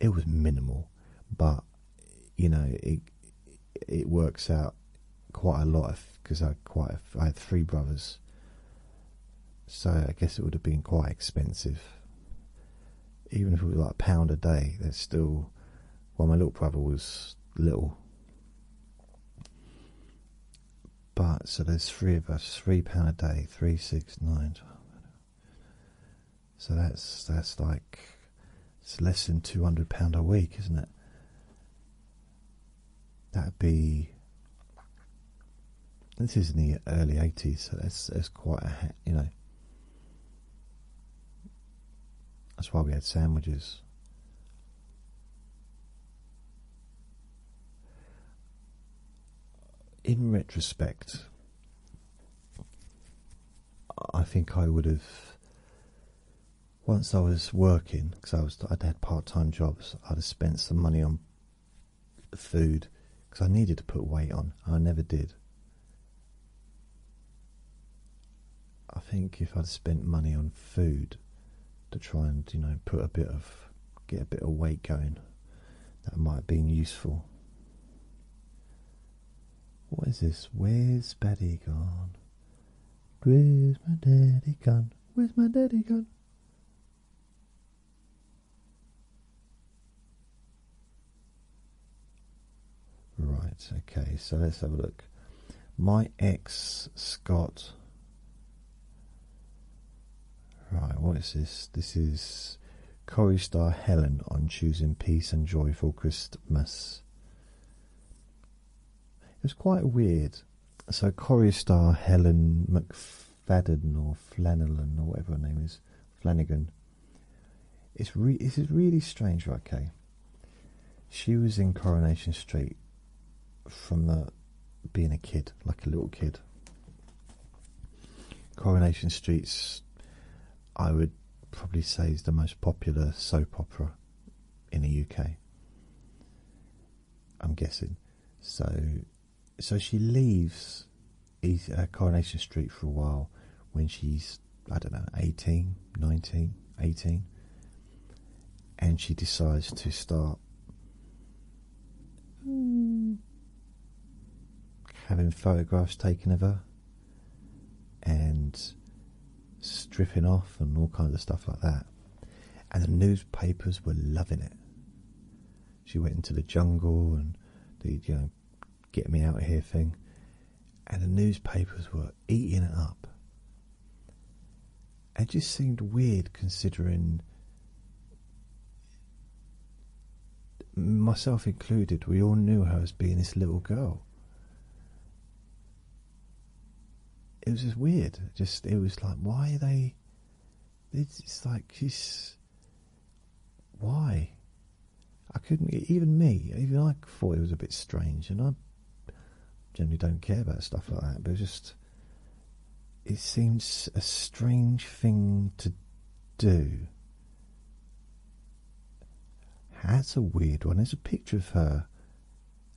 [SPEAKER 1] It was minimal, but you know it it works out quite a lot because I quite a, I had three brothers, so I guess it would have been quite expensive. Even if it was like a pound a day, that's still. Well, my little brother was little, but so there's three of us, three pound a day, three, six, nine. so that's that's like it's less than two hundred pound a week, isn't it? That'd be. This is in the early '80s, so that's quite a you know. That's why we had sandwiches. In retrospect, I think I would have once I was working, because I was I'd had part-time jobs, I'd have spent some money on food because I needed to put weight on. I never did. I think if I'd spent money on food to try and you know put a bit of get a bit of weight going, that might have been useful. What is this? Where's Betty gone? Where's my daddy gone? Where's my daddy gone? Right, okay, so let's have a look. My ex Scott. Right, what is this? This is Corey star Helen on choosing peace and joyful Christmas. It was quite weird so Corrie star Helen McFadden or Flanagan or whatever her name is, Flanagan. It's re is really strange, right, Kay? She was in Coronation Street from the being a kid, like a little kid. Coronation Street's, I would probably say, is the most popular soap opera in the UK. I'm guessing. So, so she leaves East, uh, Coronation Street for a while when she's, I don't know, 18, 19, 18. And she decides to start having photographs taken of her and stripping off and all kinds of stuff like that and the newspapers were loving it. She went into the jungle and the get me out of here thing, and the newspapers were eating it up. It just seemed weird considering myself included, we all knew her as being this little girl. It was just weird. Just it was like, why are they? It's like she's why I couldn't even me even I thought it was a bit strange, and I generally don't care about stuff like that. But it just it seems a strange thing to do. That's a weird one. There's a picture of her.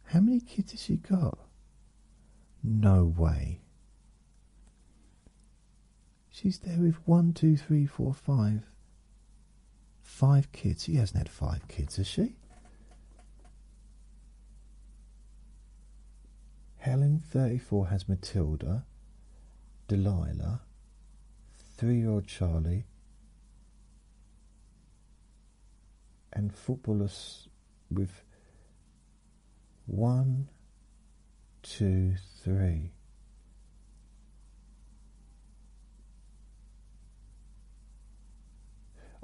[SPEAKER 1] How many kids has she got? No way. She's there with one, two, three, four, five. Five kids. She hasn't had five kids, has she? Helen, 34, has Matilda, Delilah, three year old Charlie, and footballers with one, two, three.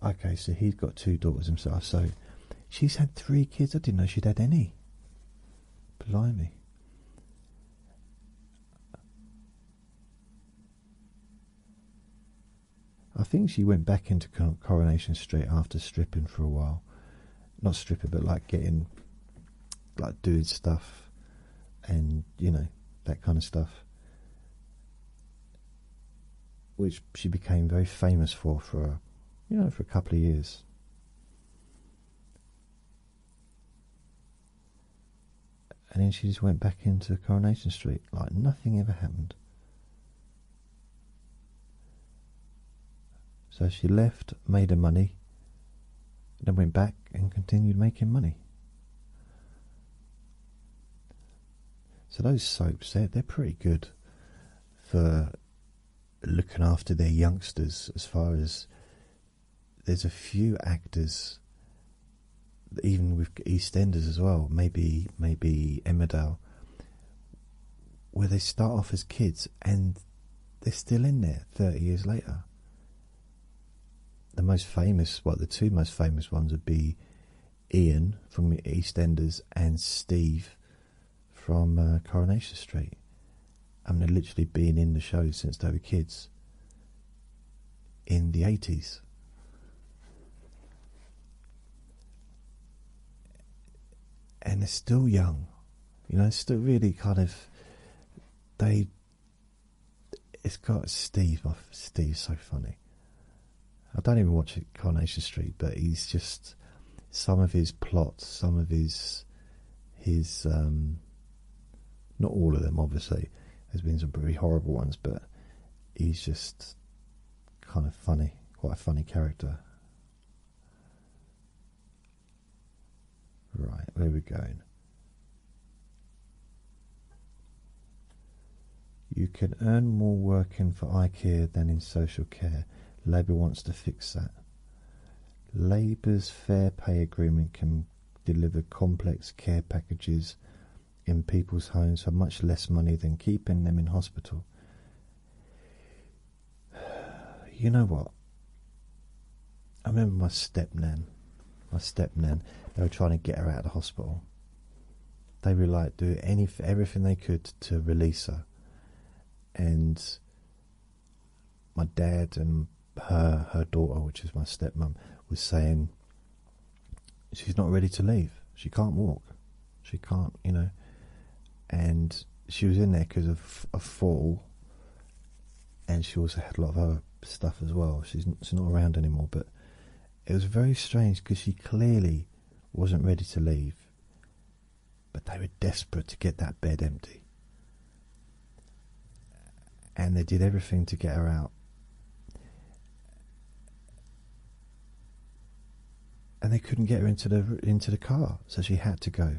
[SPEAKER 1] Okay, so he's got two daughters himself, so she's had three kids. I didn't know she'd had any. Blimey. I think she went back into Coronation Street after stripping for a while. Not stripping, but like getting, like doing stuff and, you know, that kind of stuff. Which she became very famous for, for you know, for a couple of years. And then she just went back into Coronation Street like nothing ever happened. So she left, made her money, then went back and continued making money. So those soaps, they're, they're pretty good for looking after their youngsters as far as there's a few actors even with EastEnders as well, maybe maybe Emmerdale where they start off as kids and they're still in there 30 years later. The most famous, well, the two most famous ones would be Ian from EastEnders and Steve from uh, Coronation Street. And they've literally been in the show since they were kids in the 80s and they're still young, you know, still really kind of they. It's got Steve. My Steve's so funny. I don't even watch Coronation Street, but he's just some of his plots, some of his his um, not all of them, obviously. There's been some pretty horrible ones, but he's just kind of funny, quite a funny character. Right, where are we going? You can earn more working for iCare than in social care. Labour wants to fix that. Labour's fair pay agreement can deliver complex care packages in people's homes for much less money than keeping them in hospital. You know what? I remember my stepnan, my stepnan. They were trying to get her out of the hospital. They were like do any everything they could to release her, and my dad and her her daughter, which is my stepmom, was saying she's not ready to leave. She can't walk. She can't, you know. And she was in there because of a fall, and she also had a lot of other stuff as well. She's, she's not around anymore, but it was very strange because she clearly wasn't ready to leave. But they were desperate to get that bed empty. And they did everything to get her out and they couldn't get her into the into the car, so she had to go.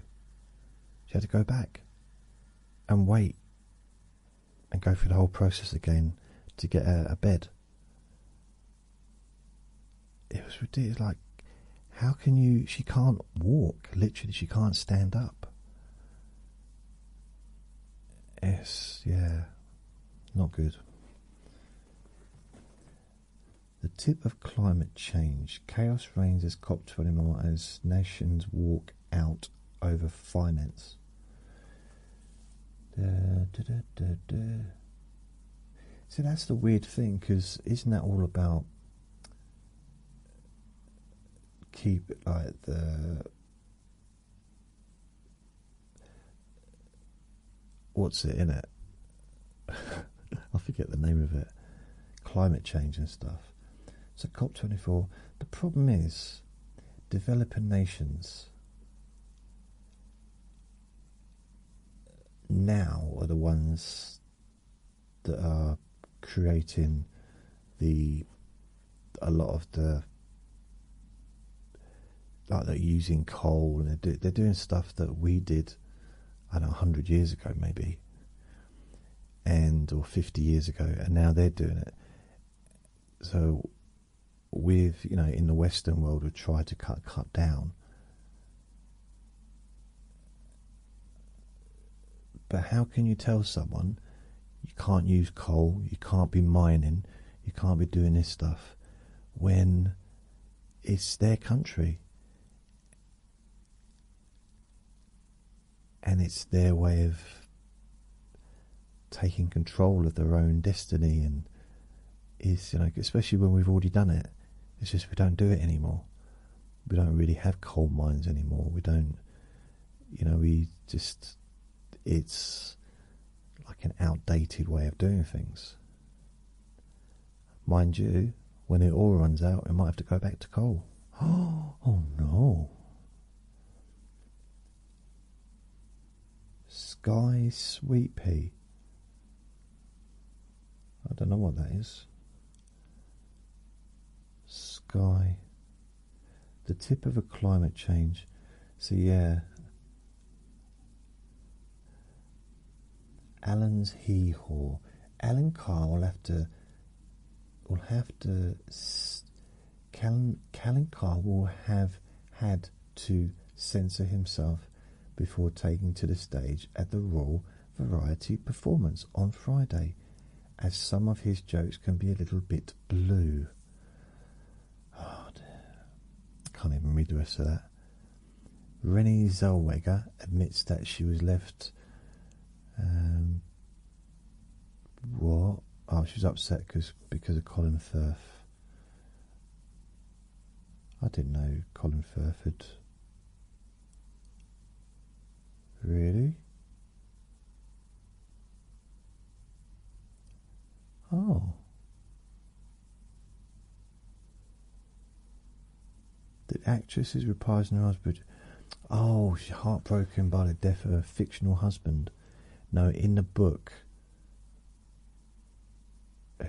[SPEAKER 1] She had to go back and wait and go through the whole process again to get a, bed. It was Like, how can you? She can't walk. Literally, she can't stand up. Yes, yeah, not good the tip of climate change. Chaos reigns as cop more as nations walk out over finance. So that's the weird thing, because isn't that all about keep like the what's it in it? <laughs> I forget the name of it. Climate change and stuff. So COP24. The problem is, developing nations now are the ones that are creating the a lot of the like they're using coal and they're doing stuff that we did I don't know, 100 years ago maybe, and or 50 years ago, and now they're doing it. So, with, you know, in the Western world, we've tried to cut, cut down. But how can you tell someone you can't use coal, you can't be mining, you can't be doing this stuff when it's their country? and it's their way of taking control of their own destiny and is you know especially when we've already done it it's just we don't do it anymore we don't really have coal mines anymore we don't you know we just it's like an outdated way of doing things Mind you, when it all runs out, we might have to go back to coal. <gasps> Oh no! Sky Sweet I don't know what that is. Sky. The tip of a climate change. So, yeah. Alan's hee-haw. Alan Carr will have to. Will have to. Callan, Callan Carr will have had to censor himself before taking to the stage at the Royal Variety performance on Friday, as some of his jokes can be a little bit blue. Oh Can't even read the rest of that. Renee Zellweger admits that she was left. Um, what? Oh, she was upset because because of Colin Firth. I didn't know Colin Firth had. Really? Oh. The actress is reprising her husband. Oh, she's heartbroken by the death of her fictional husband. No, in the book,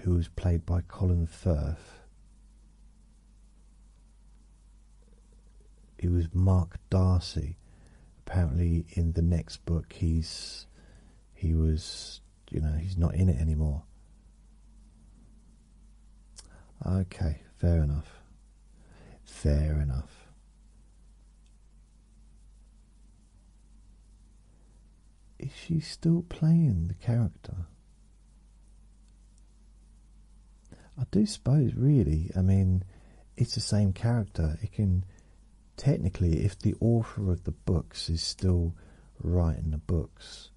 [SPEAKER 1] who was played by Colin Firth, it was Mark Darcy. Apparently, in the next book, he's he was you know, he's not in it anymore. Okay, fair enough. Fair enough. Is she still playing the character? I do suppose, really, I mean, it's the same character. It can, technically, if the author of the books is still writing the books,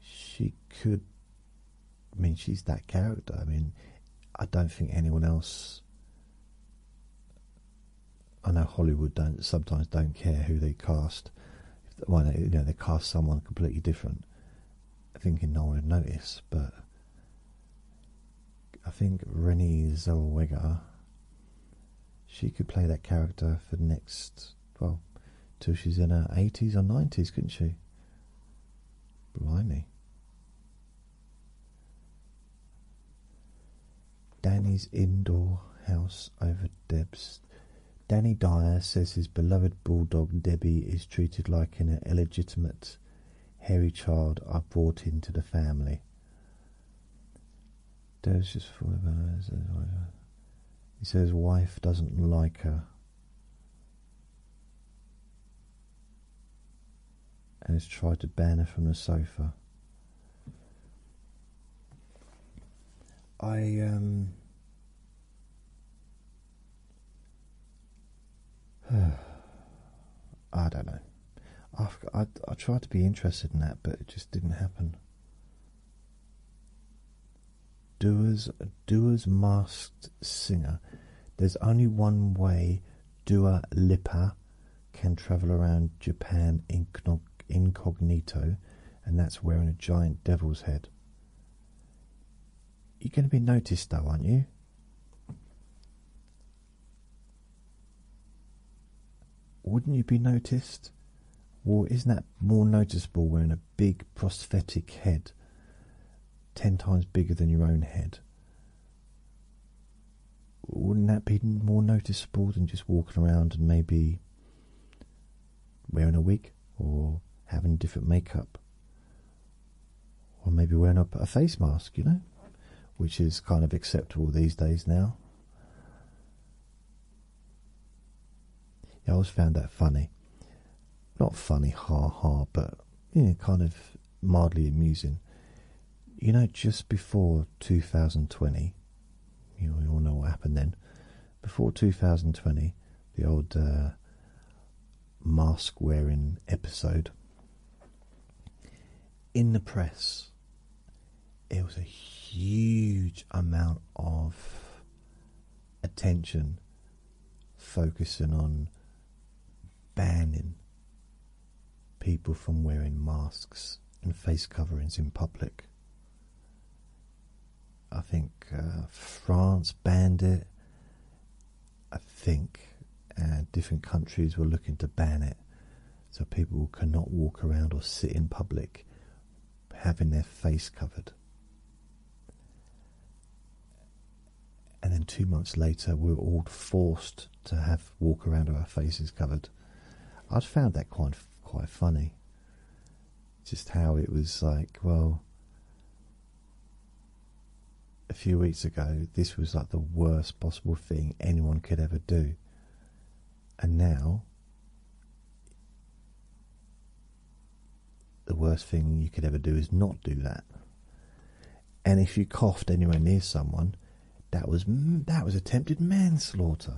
[SPEAKER 1] she could. I mean, she's that character. I mean, I don't think anyone else. I know Hollywood don't sometimes don't care who they cast. Well, they, you know, they cast someone completely different, thinking no one would notice. But I think Renée Zellweger, she could play that character for the next well, till she's in her 80s or 90s, couldn't she? Blimey. Danny's indoor house over Deb's. Danny Dyer says his beloved bulldog Debbie is treated like an illegitimate, hairy child I brought into the family. Deb's just full of eyes. He says wife doesn't like her. And has tried to ban her from the sofa. I um <sighs> I don't know. I I tried to be interested in that, but it just didn't happen. Doers, Doers Masked Singer. There's only one way Dua Lipa can travel around Japan incognito, and that's wearing a giant devil's head. You're going to be noticed, though, aren't you? Wouldn't you be noticed? Or isn't that more noticeable wearing a big prosthetic head, ten times bigger than your own head. Wouldn't that be more noticeable than just walking around and maybe wearing a wig or having different makeup? Or maybe wearing up a face mask, you know? Which is kind of acceptable these days now. Yeah, I always found that funny. Not funny, ha ha, but you know, kind of mildly amusing. You know, just before 2020, you all know, what happened then. Before 2020, the old uh, mask wearing episode in the press, it was a huge amount of attention focusing on banning people from wearing masks and face coverings in public. I think uh, France banned it. I think uh, different countries were looking to ban it so people cannot walk around or sit in public having their face covered. And then two months later, we were all forced to have walk around with our faces covered. I would found that quite quite funny. Just how it was like, well, a few weeks ago, this was like the worst possible thing anyone could ever do, and now the worst thing you could ever do is not do that. And if you coughed anywhere near someone, that was that was attempted manslaughter.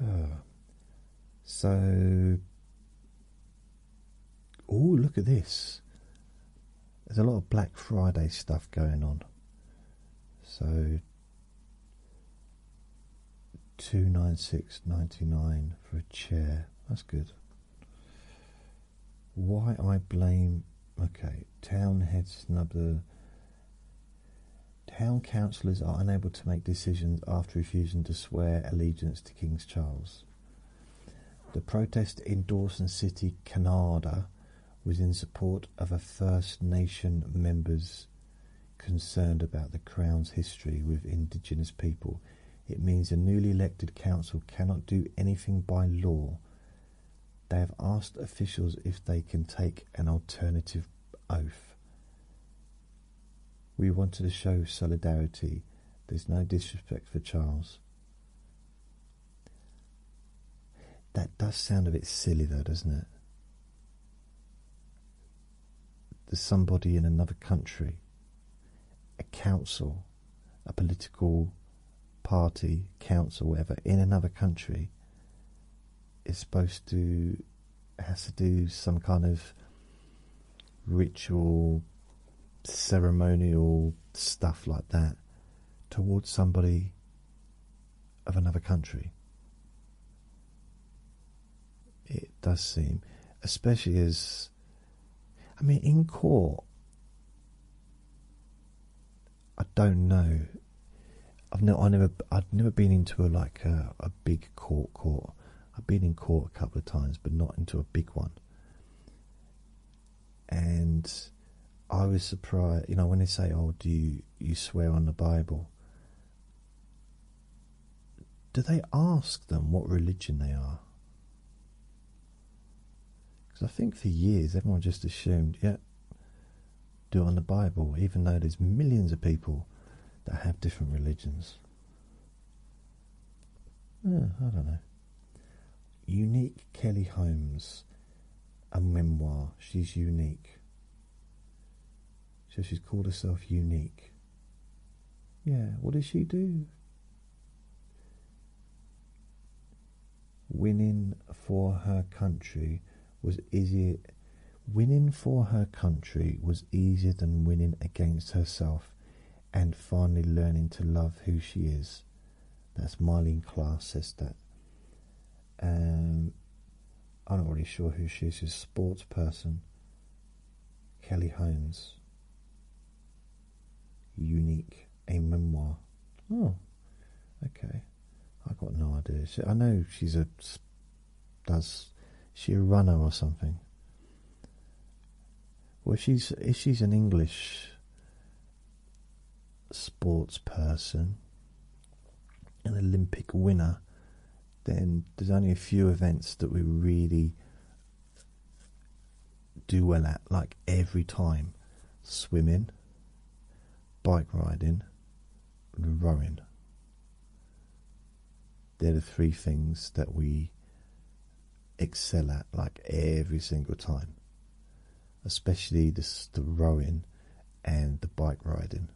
[SPEAKER 1] <sighs> So, oh look at this! There's a lot of Black Friday stuff going on. So, Two nine six ninety nine for a chair. That's good. Why I blame? Okay, town head snub the. Town councillors are unable to make decisions after refusing to swear allegiance to King Charles. The protest in Dawson City, Canada, was in support of First Nation members' concerned about the Crown's history with Indigenous people, it means a newly elected council cannot do anything by law. They have asked officials if they can take an alternative oath. We wanted to show solidarity. There's no disrespect for Charles. That does sound a bit silly, though, doesn't it? there's somebody in another country, a council, a political party, council, whatever, in another country is supposed to has to do some kind of ritual, ceremonial stuff like that towards somebody of another country it does seem, especially as I mean, in court, I don't know. I've never, I have never been into a like a big court court. I've been in court a couple of times, but not into a big one. And I was surprised, you know, when they say, "Oh, do you you swear on the Bible?" do they ask them what religion they are? Because I think for years everyone just assumed, yeah, do it on the Bible, even though there's millions of people that have different religions. I don't know. Unique Kelly Holmes, a memoir. She's unique. So she's called herself unique. Yeah, what does she do? Winning for her country was easier. Winning for her country was easier than winning against herself and finally learning to love who she is. That's Marlene Class says that. Um, I'm not really sure who she is, she's a sports person. Kelly Holmes. Unique, a memoir. Oh, okay. I got no idea. I know she's a does she a runner or something? Well, she's if she's an English sports person, an Olympic winner, then there's only a few events that we really do well at, like every time swimming, bike riding, rowing. They're the three things that we excel at, like every single time, especially this, the rowing and the bike riding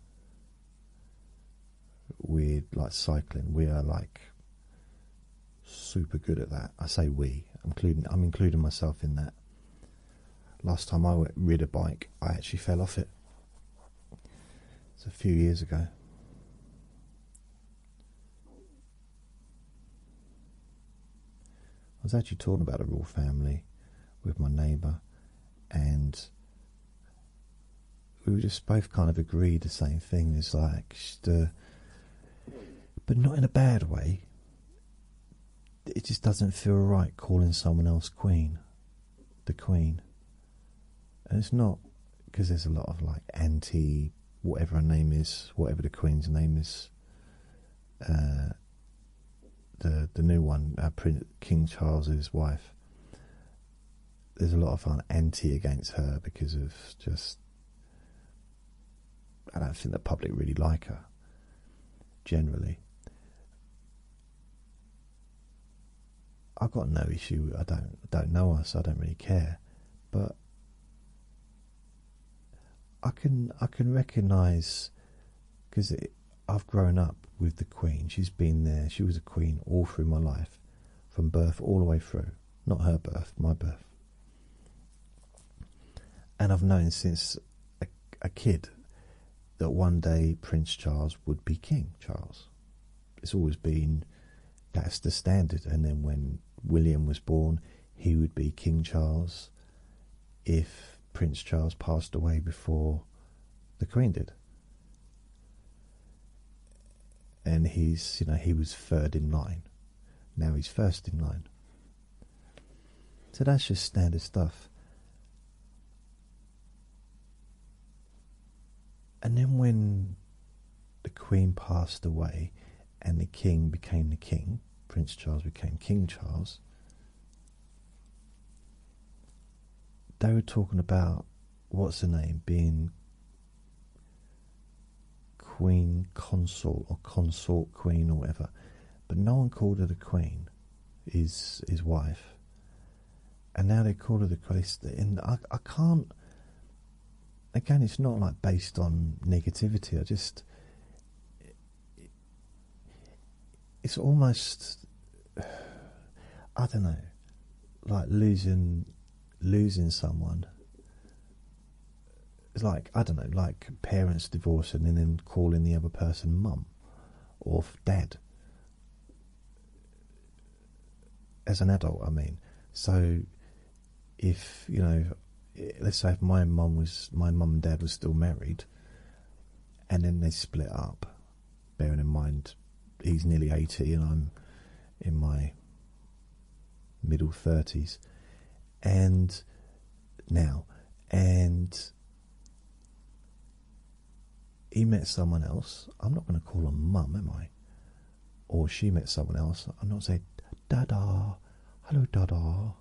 [SPEAKER 1] with like cycling, we are like super good at that. I say we, including I'm including myself in that. Last time I went, rid a bike, I actually fell off it. It's a few years ago. I was actually talking about a royal family with my neighbour, and we just both kind of agreed the same thing. It's like, uh, but not in a bad way. It just doesn't feel right calling someone else queen, the queen. And it's not because there's a lot of like anti whatever her name is, whatever the queen's name is. Uh, the the new one, uh, Prince King Charles's wife there's a lot of anti against her because of just I don't think the public really like her generally. I've got no issue. I don't don't know us. I don't really care, but I can I can recognise because I've grown up with the Queen. She's been there. She was a Queen all through my life, from birth all the way through. Not her birth, my birth. And I've known since a, kid that one day Prince Charles would be King Charles. It's always been that's the standard. And then when William was born, he would be King Charles if Prince Charles passed away before the Queen did and he's you know he was third in line now he's first in line so that's just standard stuff and then when the queen passed away and the king became the king prince charles became king charles they were talking about what's the name being queen consort or consort queen or whatever, but no one called her the queen, Is his wife. And now they call her the queen. And I, can't. Again, it's not like based on negativity. I just. it's almost. <sighs> I don't know. Like losing losing someone. It's like, I don't know, like parents divorcing and then calling the other person mum or dad. As an adult, I mean. So, if, you know, let's say if my mum was, my mum and dad were still married and then they split up, bearing in mind he's nearly 80 and I'm in my middle 30s and now and he met someone else i'm not going to call him mum am i or she met someone else i'm not say, dada hello dada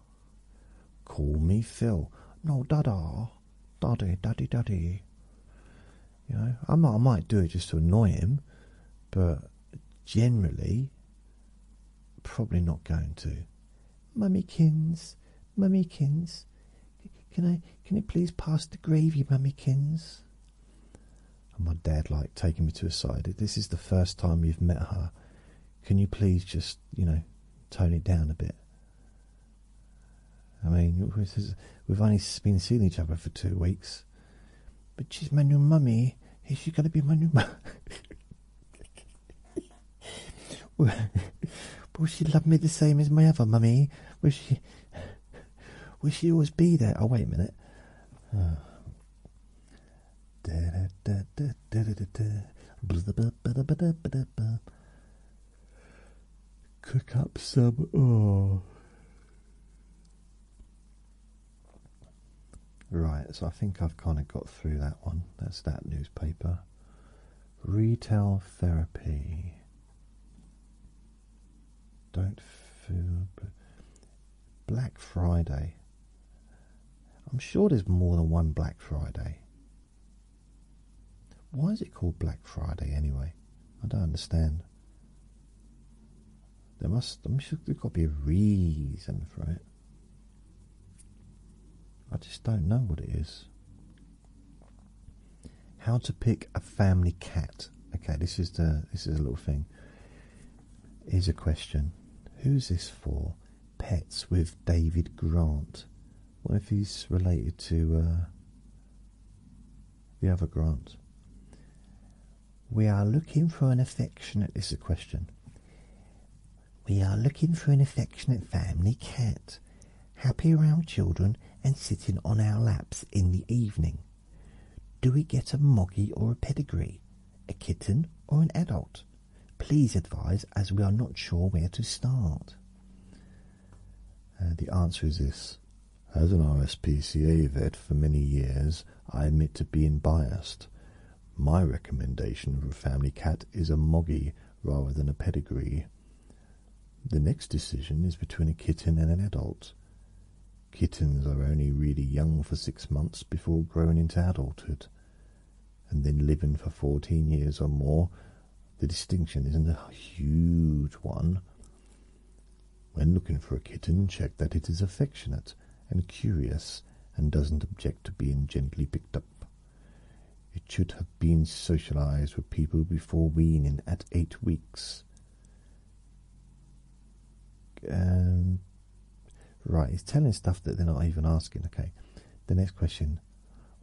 [SPEAKER 1] call me phil no dada daddy daddy daddy you know, I might, do it just to annoy him, but generally, probably not going to. Mummykins, mummykins, can I, can you please pass the gravy, mummykins? And my dad, like, taking me to a side. This is the first time you've met her. Can you please just, you know, tone it down a bit? I mean, we've only been seeing each other for two weeks. But she's my new mummy. Is she gonna be my new mummy? <laughs> Will she love me the same as my other mummy? Will she? Will she always be there? Oh wait a minute. Cook up some. Oh. Right, so I think I've kind of got through that one. That's that newspaper. Retail therapy. Don't feel. Black Friday. I'm sure there's more than one Black Friday. Why is it called Black Friday anyway? I don't understand. There must there must be a reason for it. I just don't know what it is. How to pick a family cat. Okay, this is the this is a little thing. Here's a question. Who's this for? Pets with David Grant. What if he's related to uh, the other Grant? We are looking for an affectionate. This is a question. We are looking for an affectionate family cat, happy around children and sitting on our laps in the evening. Do we get a moggy or a pedigree, a kitten or an adult? Please advise as we are not sure where to start. Uh, the answer is this as an RSPCA vet for many years, I admit to being biased. My recommendation for a family cat is a moggy rather than a pedigree. The next decision is between a kitten and an adult. Kittens are only really young for six months before growing into adulthood, and then living for 14 years or more. The distinction isn't a huge one. When looking for a kitten, check that it is affectionate and curious and doesn't object to being gently picked up. It should have been socialized with people before weaning at eight weeks. Um, right, He's telling stuff that they're not even asking. Okay, the next question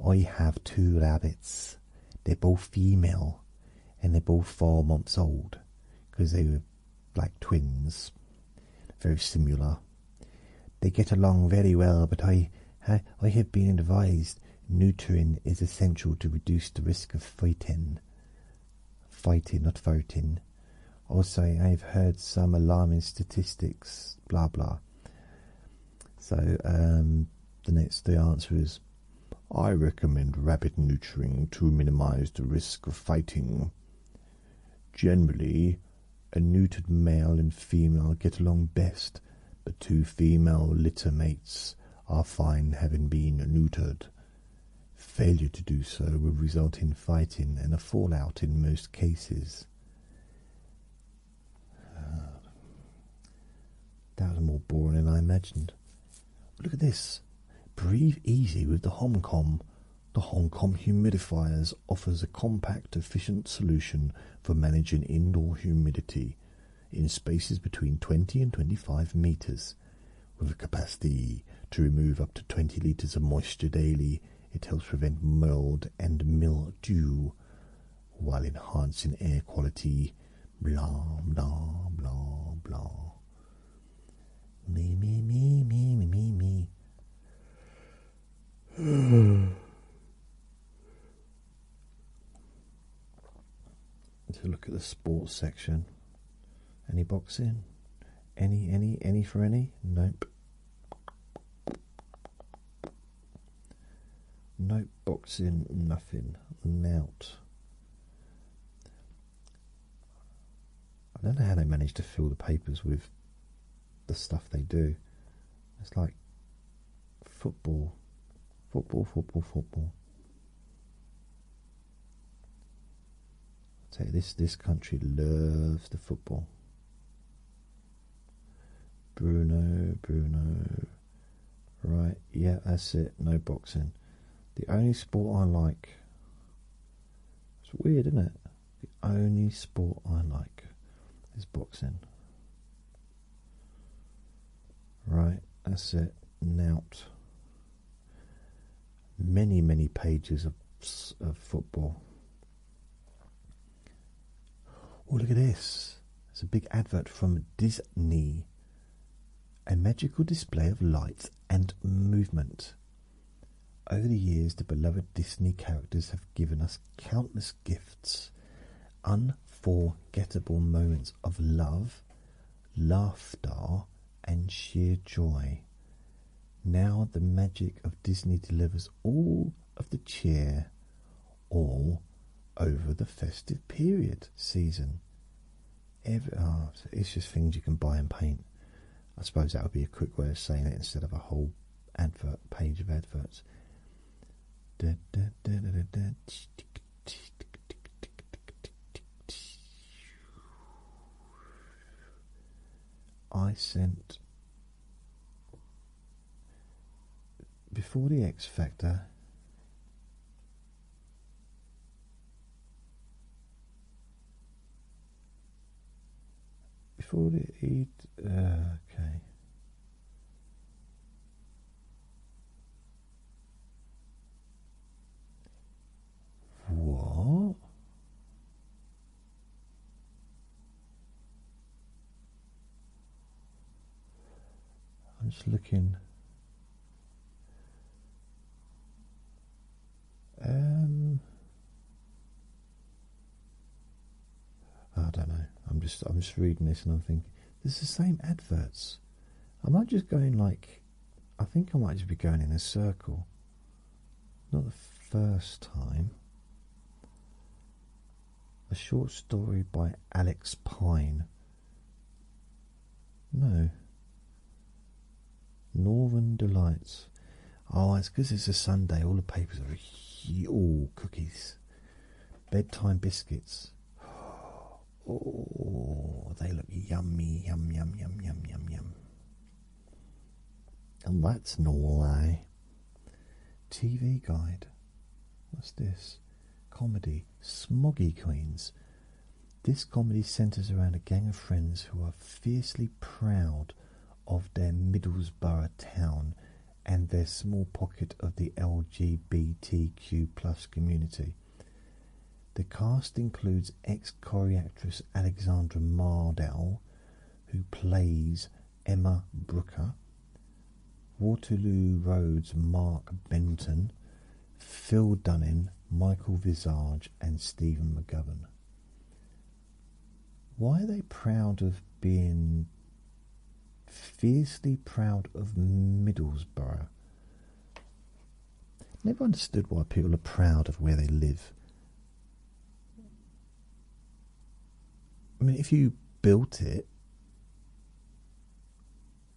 [SPEAKER 1] I have two rabbits, they're both female and they're both four months old because they were like twins, very similar. They get along very well, but I, I, have been advised neutering is essential to reduce the risk of fighting. Fighting, not voting. Also, I've heard some alarming statistics, blah blah. So, um, the next the answer is I recommend rabbit neutering to minimize the risk of fighting. Generally, a neutered male and female get along best, but two female litter mates are fine having been neutered. Failure to do so will result in fighting and a fallout in most cases. Ah. that was more boring than I imagined. Look at this. Breathe easy with the HomCom. The Hong Kong humidifiers offers a compact, efficient solution for managing indoor humidity in spaces between 20 and 25 meters. With a capacity to remove up to 20 liters of moisture daily, it helps prevent mold and mildew while enhancing air quality. Blah, blah, blah, blah. Me, me, me, me, me, me, <sighs> to look at the sports section. Any boxing? Any, any, any for any? Nope. Nope, boxing, nothing. Nout. I don't know how they manage to fill the papers with the stuff they do. It's like football, football, football, football. I tell this this country loves the football. Bruno, Bruno, right? Yeah, that's it. No boxing. The only sport I like it's weird, isn't it? The only sport I like is boxing. Right, that's it. Nout. Many, many pages of, of football. Oh, look at this. It's a big advert from Disney. A magical display of light and movement. Over the years, the beloved Disney characters have given us countless gifts, unforgettable moments of love, laughter, and sheer joy. Now, the magic of Disney delivers all of the cheer, all over the festive period season. Every, oh, it's just things you can buy and paint. I suppose that would be a quick way of saying it instead of a whole advert page of adverts. I sent before the X Factor before the eat. Uh, okay.
[SPEAKER 2] What?
[SPEAKER 1] I'm just looking. Um, I don't know. I'm just I'm just reading this and I'm thinking this is the same adverts. Am I just going like I think I might just be going in a circle. Not the first time. A short story by Alex Pine. No. Northern Delights. Oh, it's because it's a Sunday. All the papers are all cookies, bedtime biscuits. <gasps> Oh, they look yummy, yum, yum, yum, yum, yum, yum. And that's no lie. TV guide. What's this? Comedy. Smoggy Queens. This comedy centers around a gang of friends who are fiercely proud of their Middlesbrough town and their small pocket of the LGBTQ plus community. The cast includes ex-Corrie actress Alexandra Mardell, who plays Emma Brooker, Waterloo Road's Mark Benton, Phil Dunning, Michael Visage and Stephen McGovern. Why are they proud of being fiercely proud of Middlesbrough? Never understood why people are proud of where they live. I mean, if you built it,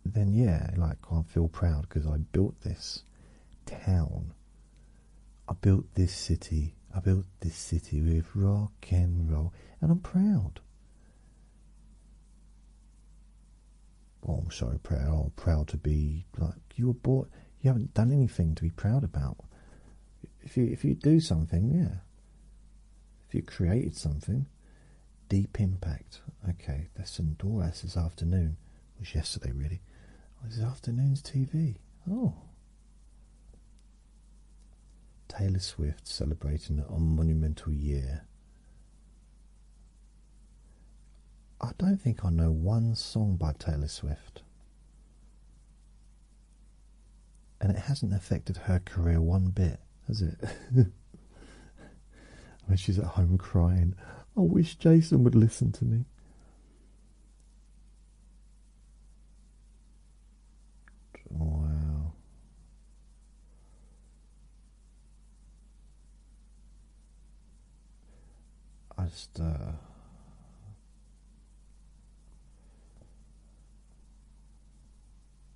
[SPEAKER 1] then yeah, like I feel proud because I built this town I built this city. I built this city with rock and roll, and I'm proud. Well, I'm sorry, proud. I'm oh, proud to be like you were bought. You haven't done anything to be proud about. If you if you do something, yeah. If you created something, deep impact. Okay, there's some Honduras this afternoon was yesterday really. Oh, it was afternoon's TV. Oh. Taylor Swift celebrating a monumental year. I don't think I know one song by Taylor Swift. And it hasn't affected her career one bit, has it? <laughs> I mean, she's at home crying, I wish Jason would listen to me. Wow. I just, uh,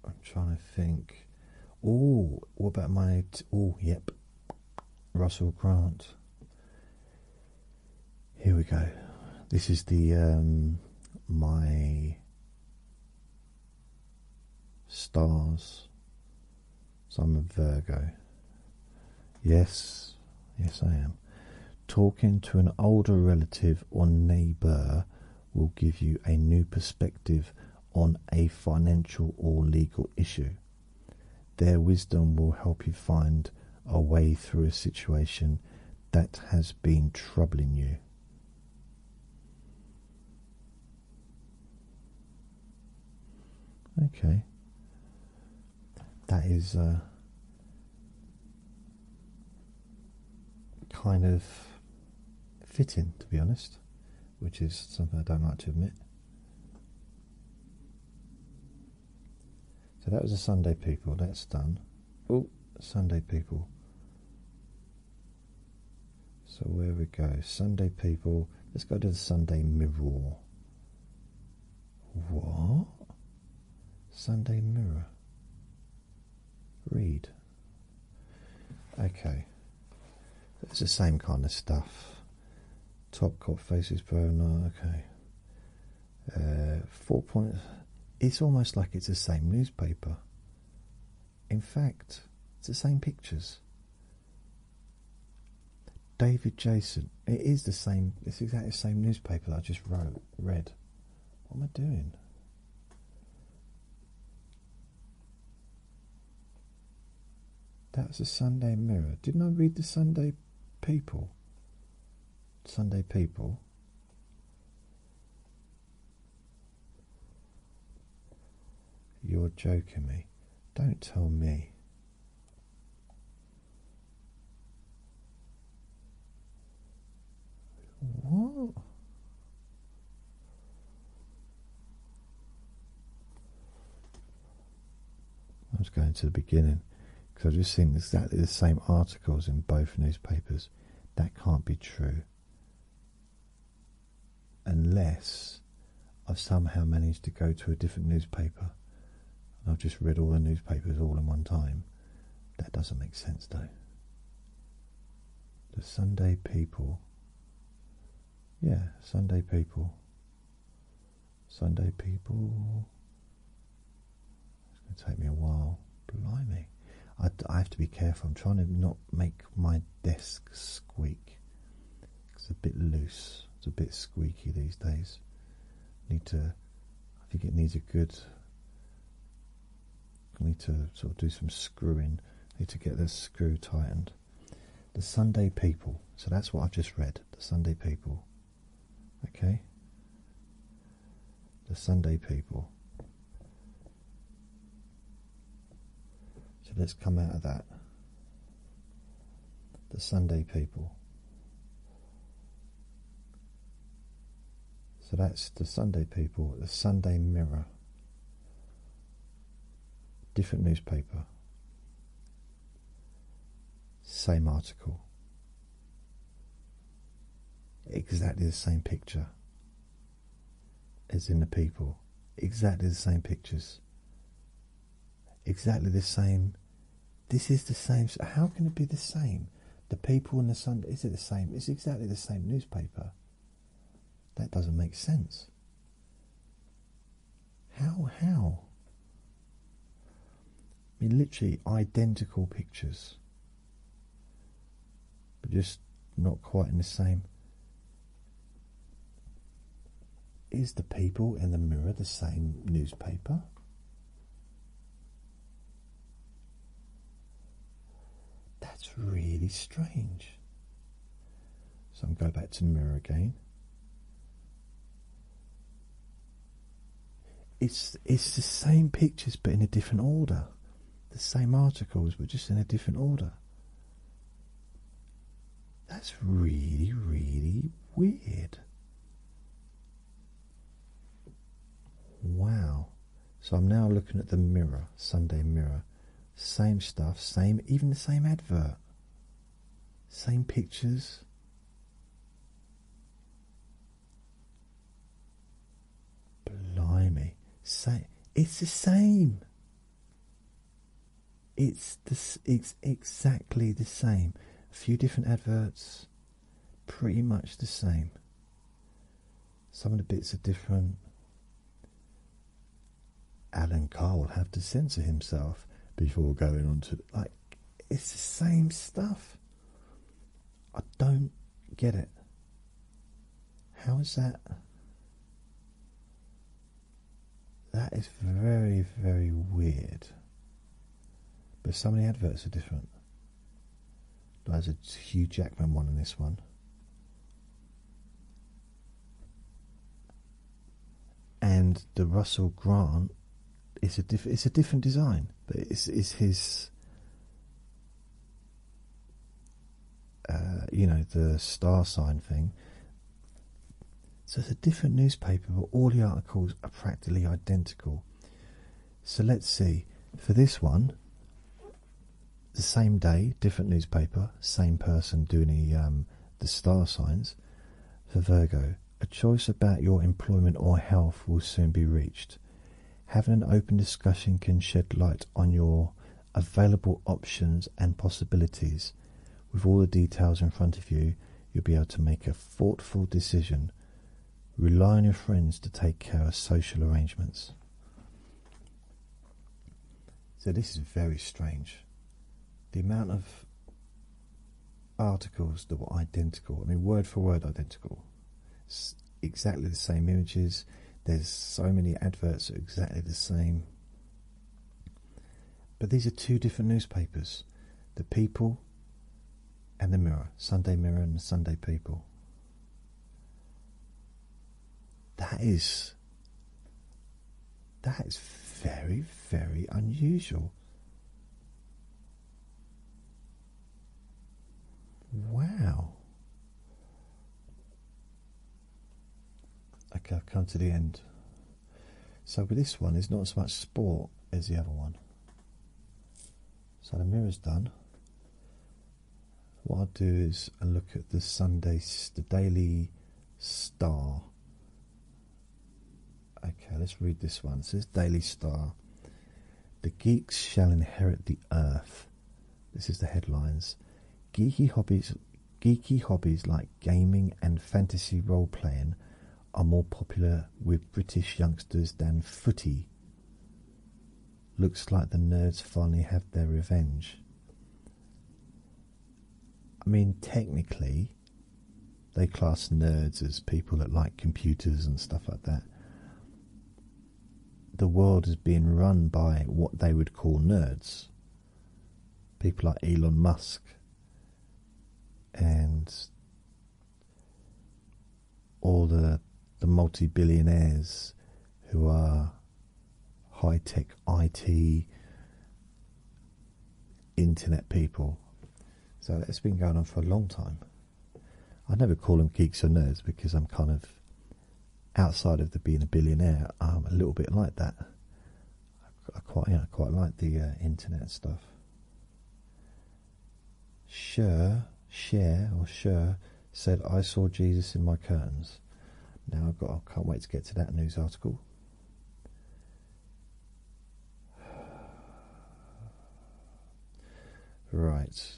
[SPEAKER 1] I'm trying to think. Oh, what about my. oh, yep. Russell Grant. Here we go. This is the um, my stars. So I'm a Virgo. Yes, yes, I am. Talking to an older relative or neighbour will give you a new perspective on a financial or legal issue. Their wisdom will help you find a way through a situation that has been troubling you. Okay, that is uh, kind of fitting, to be honest, which is something I don't like to admit. So that was the Sunday people, that's done. Oh, Sunday people. So where we go, Sunday people, let's go to the Sunday mirror. What? Sunday mirror. Read. Okay. It's the same kind of stuff. Top Cop Faces Pro, okay. Uh, four points. It's almost like it's the same newspaper. In fact, it's the same pictures. David Jason. It is the same. It's exactly the same newspaper I just wrote. Read. What am I doing? That's the Sunday Mirror. Didn't I read the Sunday People? Sunday people you're joking me. Don't tell me. What? i was going to the beginning because I've just seen exactly the same articles in both newspapers. That can't be true unless I've somehow managed to go to a different newspaper I've just read all the newspapers all in one time. That doesn't make sense though. The Sunday People. Yeah, Sunday People. Sunday people. It's going to take me a while. Blimey. I, have to be careful. I'm trying to not make my desk squeak. It's a bit loose. It's a bit squeaky these days. Need to. I think it needs a good. Need to sort of do some screwing. Need to get this screw tightened. The Sunday people. So that's what I've just read. The Sunday people. Okay? The Sunday people. So let's come out of that. The Sunday people. So that's the Sunday people, the Sunday Mirror. Different newspaper. Same article. Exactly the same picture as in the people. Exactly the same pictures. Exactly the same. This is the same. How can it be the same? The people and the sun. Is it the same? It's exactly the same newspaper. That doesn't make sense. How, how? I mean, literally identical pictures, but just not quite in the same. Is the people in the mirror the same newspaper? That's really strange. So I'm going back to the mirror again. It's it's the same pictures but in a different order. The same articles but just in a different order. That's really, really weird. Wow. So I'm now looking at the mirror, Sunday mirror. Same stuff, same, even the same advert. Same pictures. Blimey, say it's the same. It's this. It's exactly the same. A few different adverts, pretty much the same. Some of the bits are different. Alan Carr will have to censor himself before going on to like it's the same stuff. I don't get it. How is that? That is very, very weird. But some of the adverts are different. There's a Hugh Jackman one in this one. And the Russell Grant it's a diff it's a different design, but it's it's his uh, you know the star sign thing. So it's a different newspaper, but all the articles are practically identical. So let's see for this one. The same day, different newspaper, same person doing the um, the star signs for Virgo. A choice about your employment or health will soon be reached. Having an open discussion can shed light on your available options and possibilities. With all the details in front of you, you'll be able to make a thoughtful decision. Rely on your friends to take care of social arrangements. So, this is very strange. The amount of articles that were identical. I mean, word for word identical. exactly the same images. There's so many adverts that are exactly the same. But these are two different newspapers The People and The Mirror. Sunday Mirror and Sunday People. That is. That is very, very unusual. Wow. Okay, I've come to the end. So with this one, it's not as much sport as the other one. So the mirror's done. What I'll do is look at the Sunday, the Daily Star. Okay, let's read this one. It says Daily Star. The geeks shall inherit the earth. This is the headlines. Geeky hobbies geeky hobbies like gaming and fantasy role playing are more popular with British youngsters than footy. Looks like the nerds finally have their revenge. I mean, technically, they class nerds as people that like computers and stuff like that the world is being run by what they would call nerds. People like Elon Musk and all the the multi-billionaires who are high-tech IT internet people. So that's been going on for a long time. I never call them geeks or nerds because I'm kind of outside of the being a billionaire. I'm a little bit like that. I quite, you know, quite like the uh, internet stuff. Sure, share or sure said, "I saw Jesus in my curtains." Now I've got. I can't wait to get to that news article. Right.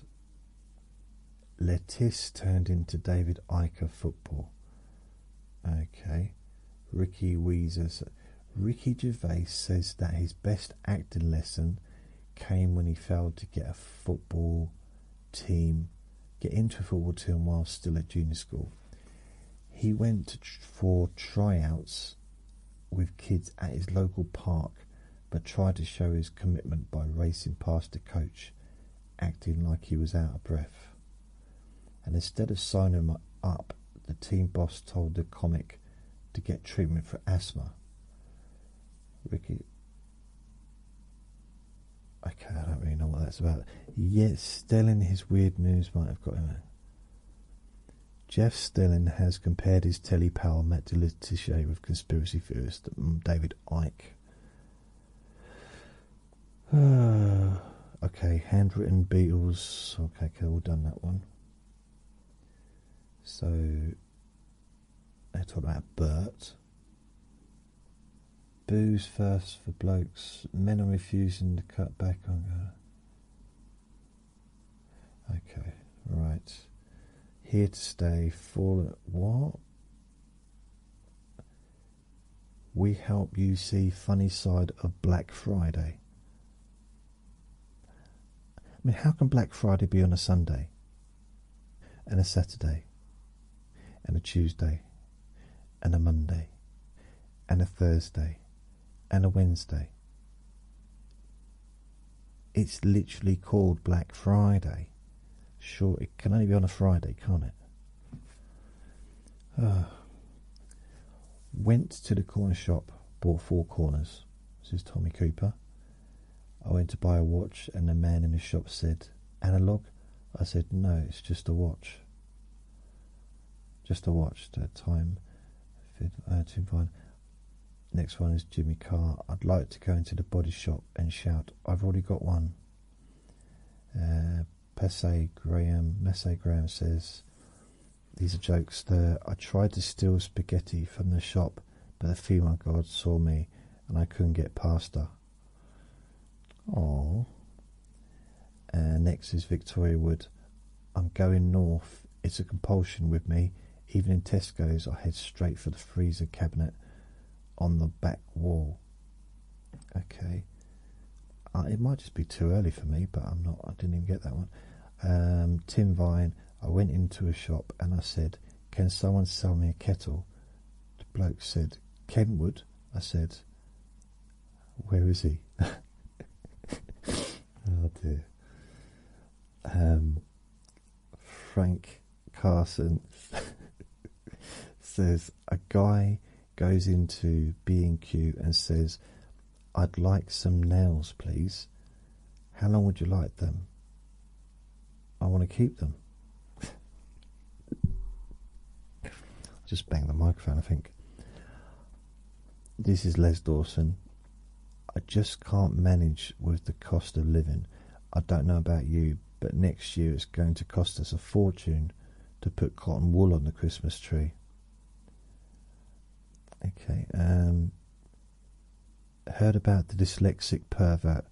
[SPEAKER 1] Lettice turned into David Iker football. Okay. Ricky Weezer. Ricky Gervais says that his best acting lesson came when he failed to get a football team, get into a football team while still at junior school. He went for tryouts with kids at his local park but tried to show his commitment by racing past the coach, acting like he was out of breath. And instead of signing him up, the team boss told the comic to get treatment for asthma. Ricky. Okay, I don't really know what that's about. Yet Stelling, his weird news might have got him. Jeff Stelling has compared his telly pal Matt DeLuca politician with conspiracy theorist um, David Ike. <sighs> okay, handwritten Beatles. Okay, cool, all done that one. So they talk about Bert. Booze first for blokes. Men are refusing to cut back on. Uh, Okay, right. Here to stay. Fall. What? We help you see funny side of Black Friday. I mean, how can Black Friday be on a Sunday, and a Saturday, and a Tuesday, and a Monday, and a Thursday, and a Wednesday? It's literally called Black Friday. Sure, it can only be on a Friday, can't it? Uh, went to the corner shop, bought four corners. This is Tommy Cooper. I went to buy a watch, and the man in the shop said, Analog? I said, No, it's just a watch. Just a watch. to time. Fit, uh, to find. Next one is Jimmy Carr. I'd like to go into the body shop and shout, I've already got one. Uh, Pesse Graham, Messe Graham says, These are jokes there. I tried to steal spaghetti from the shop, but the female god saw me and I couldn't get past her. Oh. next is Victoria Wood. I'm going north. It's a compulsion with me. Even in Tesco's, I head straight for the freezer cabinet on the back wall. Okay, uh, it might just be too early for me, but I'm not. I didn't even get that one. Um, Tim Vine. I went into a shop and I said, "Can someone sell me a kettle?" The bloke said, "Kenwood." I said, "Where is he?" <laughs> oh dear. Um, Frank Carson <laughs> says a guy goes into B&Q and says, I'd like some nails, please. How long would you like them? I want to keep them. Just bang the microphone, I think. This is Les Dawson. I just can't manage with the cost of living. I don't know about you, but next year it's going to cost us a fortune to put cotton wool on the Christmas tree. Okay, um, heard about the dyslexic pervert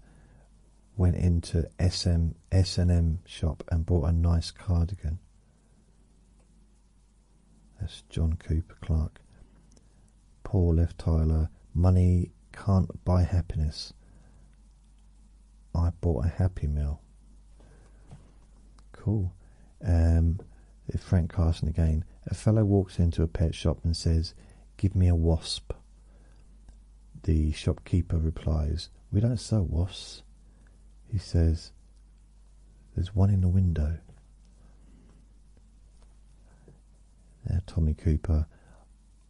[SPEAKER 1] went into SM S&M shop and bought a nice cardigan. That's John Cooper Clark. Poor F. Tyler, Money can't buy happiness. I bought a Happy Meal. Cool. Um, Frank Carson again. A fellow walks into a pet shop and says, Give me a wasp. The shopkeeper replies, We don't sell wasps. He says, There's one in the window. There, Tommy Cooper,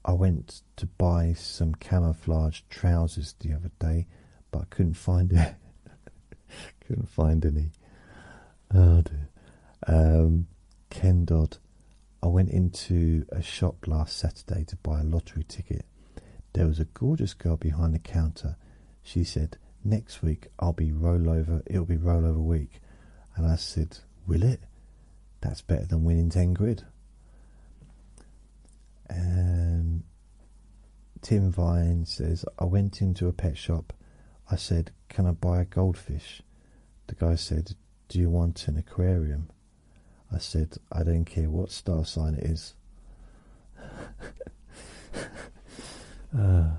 [SPEAKER 1] I went to buy some camouflage trousers the other day, but I couldn't find it. <laughs> couldn't find any. Oh dear. Um, Ken Dodd. I went into a shop last Saturday to buy a lottery ticket. There was a gorgeous girl behind the counter. She said, Next week I'll be rollover, it'll be rollover week. And I said, Will it? That's better than winning 10 grid. Um, Tim Vine says, I went into a pet shop. I said, Can I buy a goldfish? The guy said, Do you want an aquarium? I said, I don't care what star sign it is. <laughs> uh,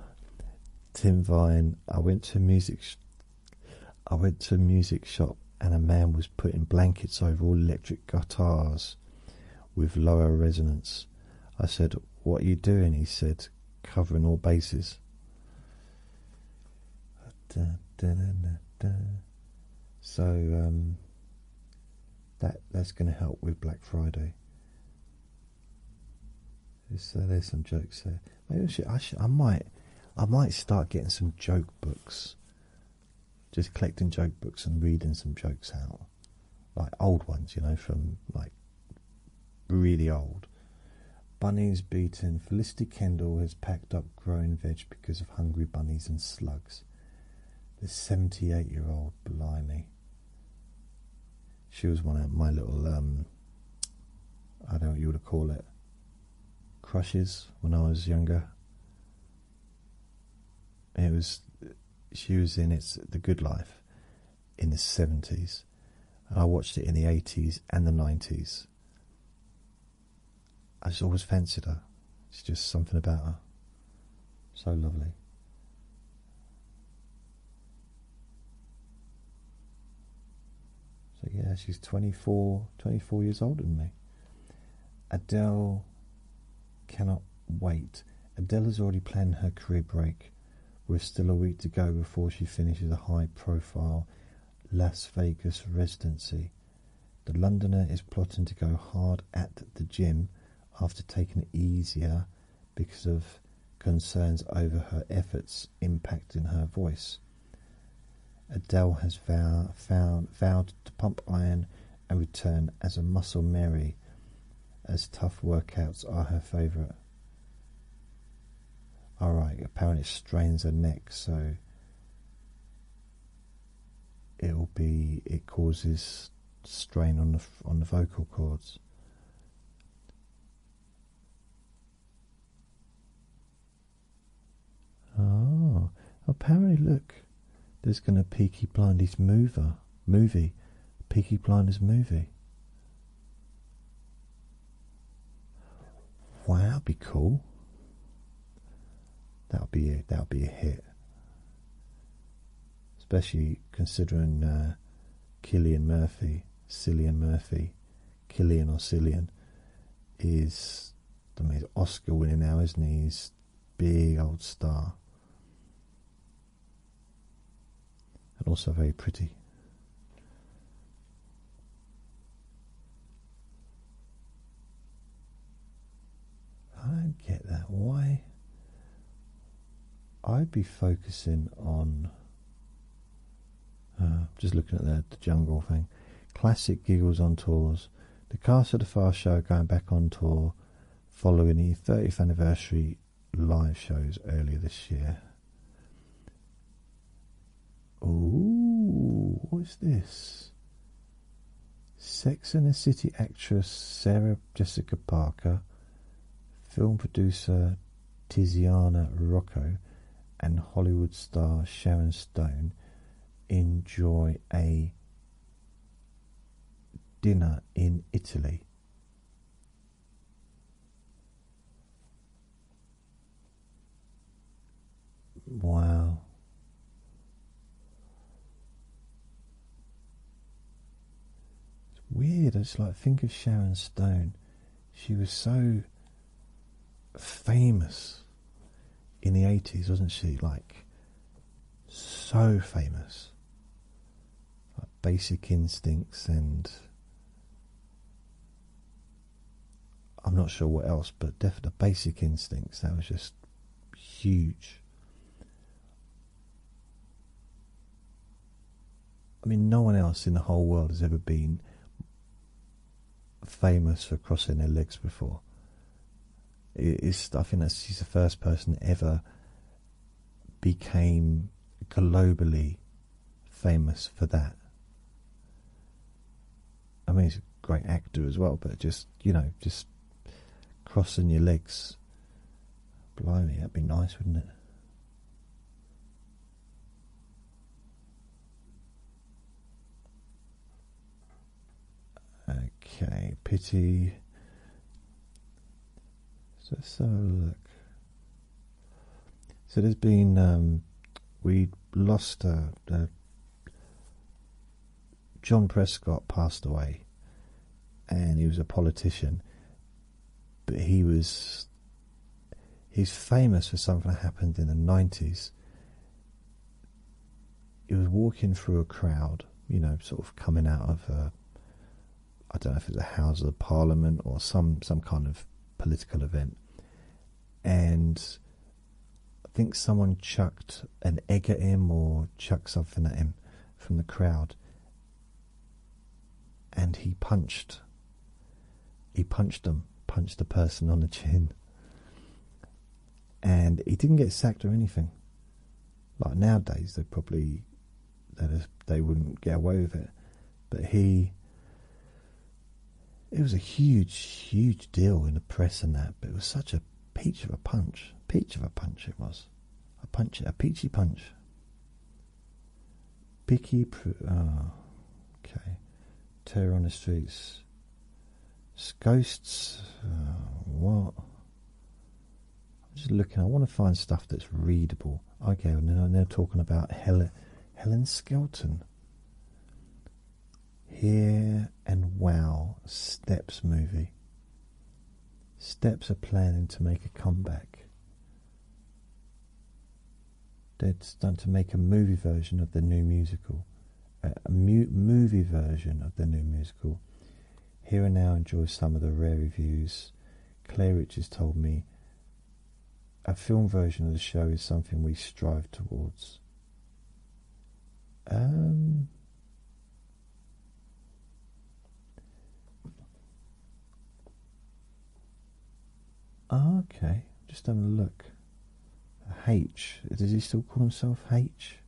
[SPEAKER 1] Tim Vine, I went to music I went to a music shop and a man was putting blankets over all electric guitars with lower resonance. I said, What are you doing? He said, Covering all bases. So um, that that's going to help with Black Friday. So there's some jokes there. Maybe I should, I might. I might start getting some joke books. Just collecting joke books and reading some jokes out, like old ones, you know, from like really old. Bunnies beaten. Felicity Kendall has packed up growing veg because of hungry bunnies and slugs. The seventy-eight-year-old blimey. She was one of my little um, I don't know you would call it crushes when I was younger. It was she was in its The Good Life in the seventies. I watched it in the eighties and the nineties. I just always fancied her. It's just something about her. So lovely. So yeah, she's 24, years older than me. Adele cannot wait. Adele has already planned her career break. We're still a week to go before she finishes a high-profile Las Vegas residency. The Londoner is plotting to go hard at the gym after taking it easier because of concerns over her efforts impact in her voice. Adele has vow, vow, vowed to pump iron and return as a muscle Mary, as tough workouts are her favourite. Alright, apparently strains her neck, so it'll be it causes strain on the on the vocal cords. Oh, apparently, look, there's going to be Peaky Blinders mover movie, Peaky Blinders movie. Wow, that'd be cool. That'll be a, that'll be a hit, especially considering uh, Killian Murphy, Cillian Murphy, Killian or Cillian is I mean Oscar winning now, isn't he? He's big old star. And also very pretty. I don't get that. Why? I'd be focusing on uh, just looking at the, jungle thing. Classic giggles on tours. The cast of the Far show going back on tour following the 30th anniversary live shows earlier this year. Ooh, what is this? Sex and the City actress Sarah Jessica Parker, film producer Tiziana Rocco, and Hollywood star Sharon stone enjoy a dinner in Italy? Wow. It's weird. It's like, think of Sharon Stone. She was so famous in the 80s, wasn't she? Like, so famous. Like Basic Instincts and. I'm not sure what else, but definitely Basic Instincts, that was just huge. I mean, no one else in the whole world has ever been famous for crossing their legs before. It's, I think that's, she's the first person ever became globally famous for that. I mean, he's a great actor as well, but just, you know, just crossing your legs. Blimey, that'd be nice, wouldn't it? Okay, pity. So let look. So there's been um, we lost uh, John Prescott passed away, and he was a politician, but he was he's famous for something that happened in the nineties it was walking through a crowd, you know, sort of coming out of a, I don't know if it's a House of Parliament or some some kind of political event, and I think someone chucked an egg at him or chucked something at him from the crowd, and he punched. He punched them, punched the person on the chin and he didn't get sacked or anything. Like nowadays, they probably they they wouldn't get away with it, but he. It was a huge, huge deal in the press and that, but it was such a peach of a punch, peach of a punch it was, a punch, a peachy punch. Picky, oh, okay, terror on the streets ghosts. Uh, what? I'm just looking. I want to find stuff that's readable. Okay, and well, they're talking about Helen, Helen Skelton. Here and Wow Steps movie. Steps are planning to make a comeback. They're starting to make a movie version of the new musical a movie version of the new musical. Here and now enjoy some of the rare reviews. Claire Richards told me a film version of the show is something we strive towards. Um, okay, just having a look. H. Does he still call himself H?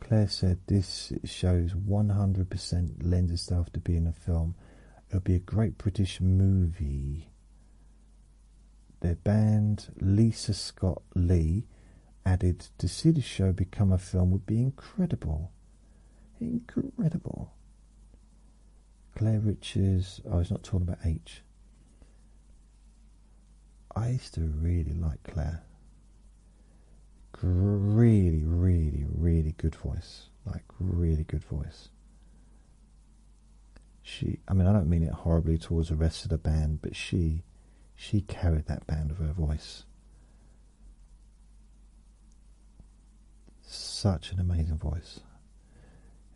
[SPEAKER 1] Claire said this shows 100% lends itself to being a film. It would be a great British movie. Their band, Lisa Scott Lee, added to see the show become a film would be incredible. Incredible. Claire Richards. Oh, I was not talking about H. I used to really like Claire. Really, really, really good voice. Like, really good voice. She, I mean, I don't mean it horribly towards the rest of the band, but she, she carried that band with her voice. Such an amazing voice.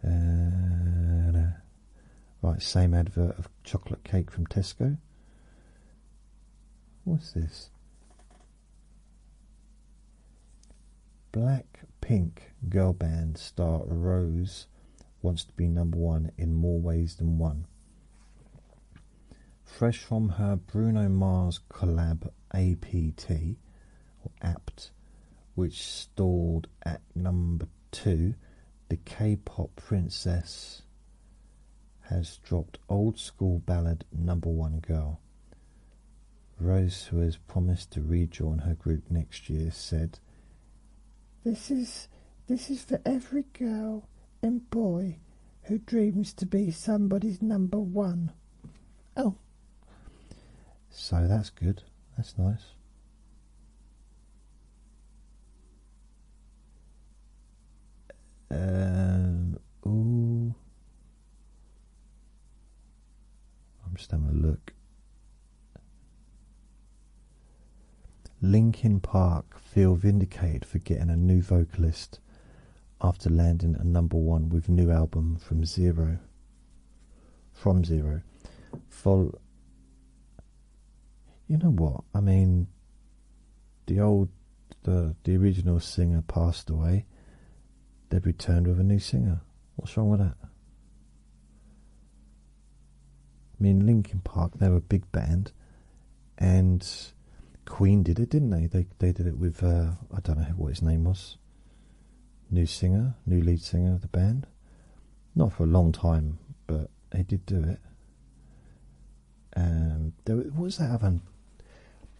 [SPEAKER 1] Uh, right, same advert of chocolate cake from Tesco. What's this? Black pink girl band star Rose wants to be number one in more ways than one. Fresh from her Bruno Mars collab APT, or APT, which stalled at number Two, the K-pop princess has dropped old school ballad number one girl. Rose, who has promised to rejoin her group next year, said, "This is this is for every girl and boy who dreams to be somebody's number one." Oh, so that's good. That's nice. Um, ooh. I'm just having a look. Linkin Park feel vindicated for getting a new vocalist after landing a number one with new album from zero. From zero, full. You know what? I mean, the old, the the original singer passed away. They've returned with a new singer. What's wrong with that? I mean, Linkin Park, they were a big band, and Queen did it, didn't they? They they did it with uh, I don't know what his name was. New singer, new lead singer of the band. Not for a long time, but they did do it. Um, there was, what was that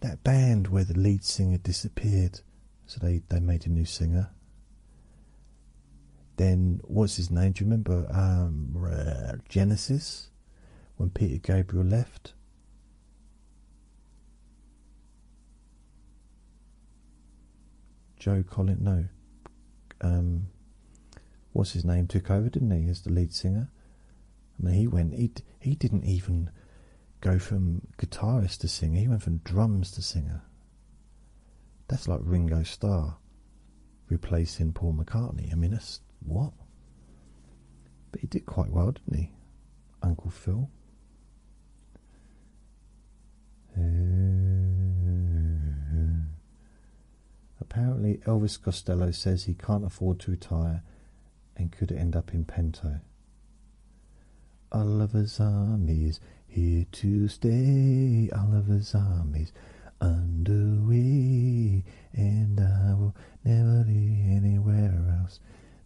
[SPEAKER 1] that band where the lead singer disappeared, so they they made a new singer. Then what's his name? Do you remember um, Genesis when Peter Gabriel left? Joe Collin, no, um, what's his name took over, didn't he, as the lead singer? I mean, he went, he he didn't even go from guitarist to singer. He went from drums to singer. That's like Ringo Starr replacing Paul McCartney. I mean, that's what. But he did quite well, didn't he, Uncle Phil? Uh, apparently, Elvis Costello says he can't afford to retire and could end up in Pento. Oliver's Army is here to stay. Oliver's Army's is underway, and I will never be anywhere else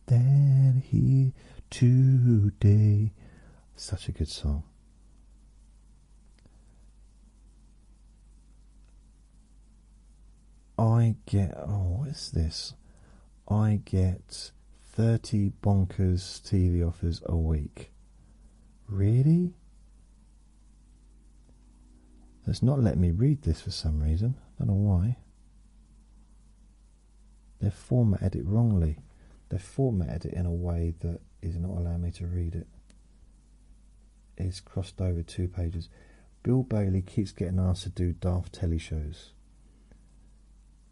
[SPEAKER 1] than here today. Such a good song. I get oh, what's this? I get 30 bonkers TV offers a week. Really? That's not letting me read this for some reason. I don't know why. They've formatted it wrongly. They've formatted it in a way that is not allowing me to read it is crossed over two pages. Bill Bailey keeps getting asked to do daft telly shows.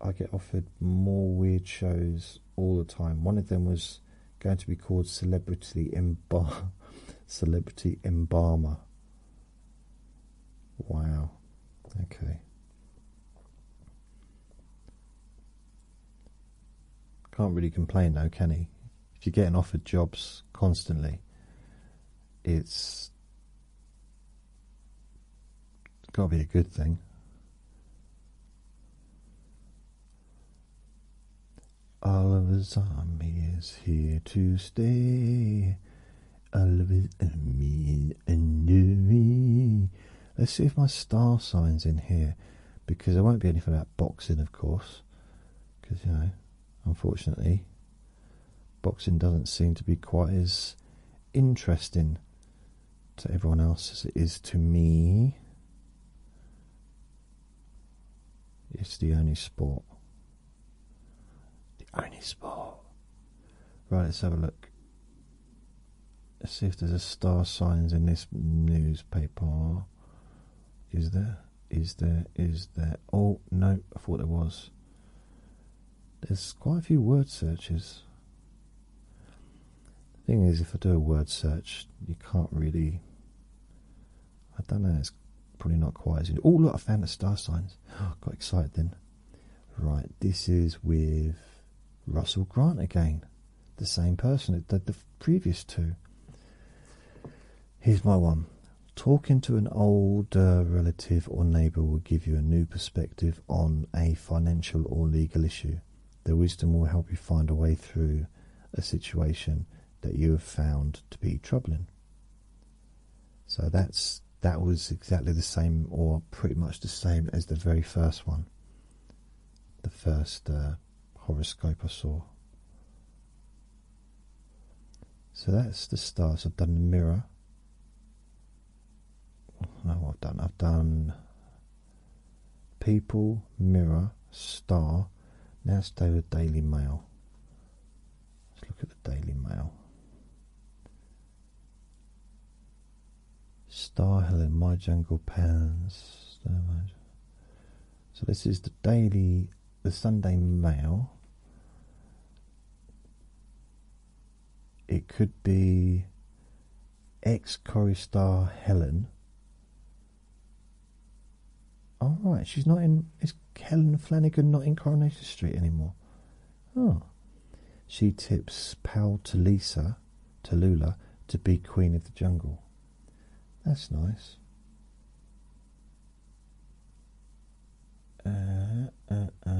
[SPEAKER 1] I get offered more weird shows all the time. One of them was going to be called Celebrity Embalmer. <laughs> Celebrity Embalmer. Wow. Okay. Can't really complain though, can he? If you're getting offered jobs constantly, it's gotta be a good thing. Oliver's army is here to stay. Oliver army is under me. Let's see if my star sign's in here because there won't be anything about boxing, of course, because you know, unfortunately, boxing doesn't seem to be quite as interesting to everyone else as it is to me. It's the only sport. The only sport. Right, let's have a look. Let's see if there's a star signs in this newspaper. Is there? Is there? Is there? Oh, no, I thought there was. There's quite a few word searches. The thing is, if I do a word search, you can't really. I don't know, it's probably not quite as. Oh, look, I found the star signs. Oh, <gasps> got excited then. Right, this is with Russell Grant again the same person that did the previous two. Here's my one. Talking to an older uh, relative or neighbour will give you a new perspective on a financial or legal issue. Their wisdom will help you find a way through a situation that you have found to be troubling. So that's that was exactly the same, or pretty much the same as the very first one. The first uh, horoscope I saw. So that's the stars. I've done the mirror. No, I've done. I've done people, mirror, star. Now it's the Daily Mail. Let's look at the Daily Mail. Star Helen, My Jungle Pans. So this is the daily, the Sunday Mail. It could be ex Corrie star Helen. All oh, right, she's not in. Is Helen Flanagan not in Coronation Street anymore? Oh, she tips Pal to Lisa, to Lula, to be Queen of the Jungle. That's nice. Uh, uh,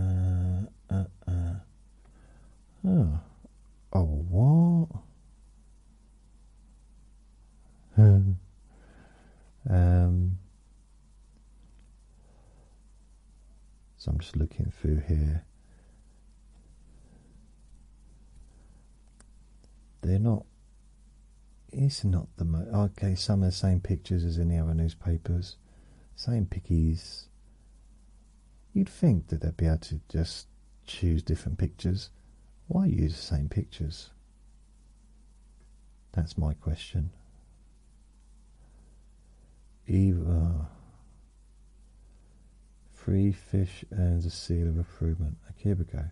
[SPEAKER 1] uh, oh, oh what? <laughs> um, so I'm just looking through here. They're not. It's not the most. Okay, some of the same pictures as in the other newspapers, same pickies. You'd think that they'd be able to just choose different pictures. Why use the same pictures? That's my question. Either. Free fish earns a seal of approval. Okay, here we go.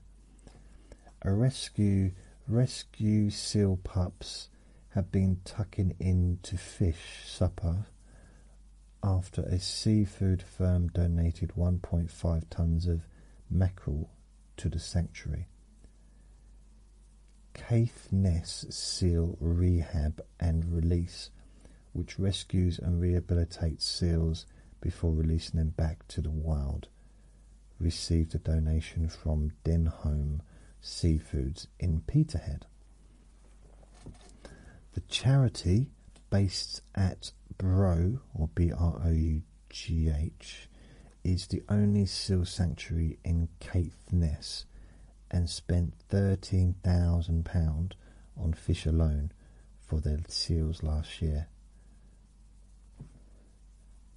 [SPEAKER 1] A rescue rescue seal pups have been tucking into fish supper after a seafood firm donated 1.5 tons of mackerel to the sanctuary. Caithness Seal Rehab and Release, which rescues and rehabilitates seals before releasing them back to the wild, received a donation from Denholm Seafoods in Peterhead. The charity, based at Bro or B R O U G H, is the only seal sanctuary in Caithness and spent £13,000 on fish alone for the seals last year.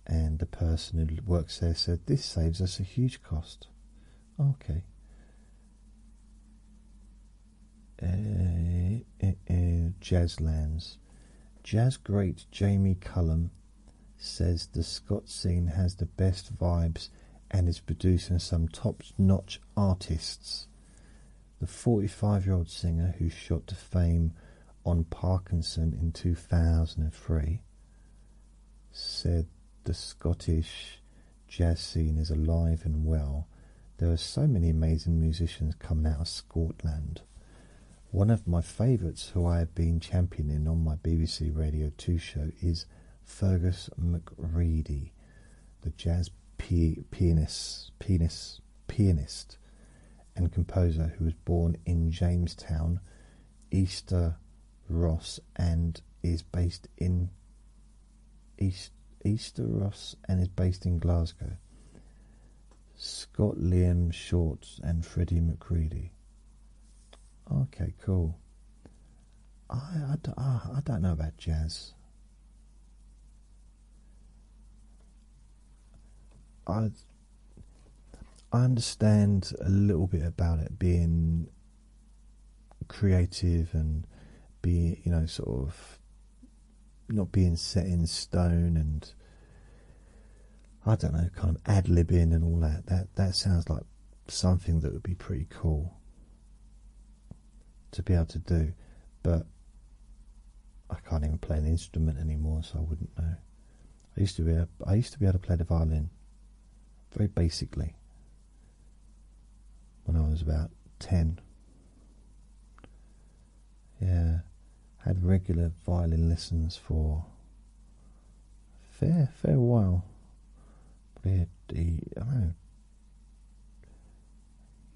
[SPEAKER 1] And the person who works there said, This saves us a huge cost. Okay. Eh, eh, eh, Jazz lands. Jazz great Jamie Cullum says the Scott scene has the best vibes and is producing some top notch artists the 45-year-old singer who shot to fame on parkinson in 2003 said the scottish jazz scene is alive and well. there are so many amazing musicians coming out of scotland. one of my favourites who i have been championing on my bbc radio 2 show is fergus mcready, the jazz pianist, pianist pianist and composer who was born in Jamestown, Easter Ross and is based in East, Easter Ross and is based in Glasgow. Scott Liam Short and Freddie McCready. Okay, cool. I, I don't know about jazz. I I understand a little bit about it being creative and being, you know sort of not being set in stone and I don't know kind of ad libbing and all that that that sounds like something that would be pretty cool to be able to do but I can't even play an instrument anymore, so I wouldn't know. I used to be able, used to be able to play the violin very basically when I was about ten. Yeah, had regular violin lessons for a fair fair while. Probably I don't know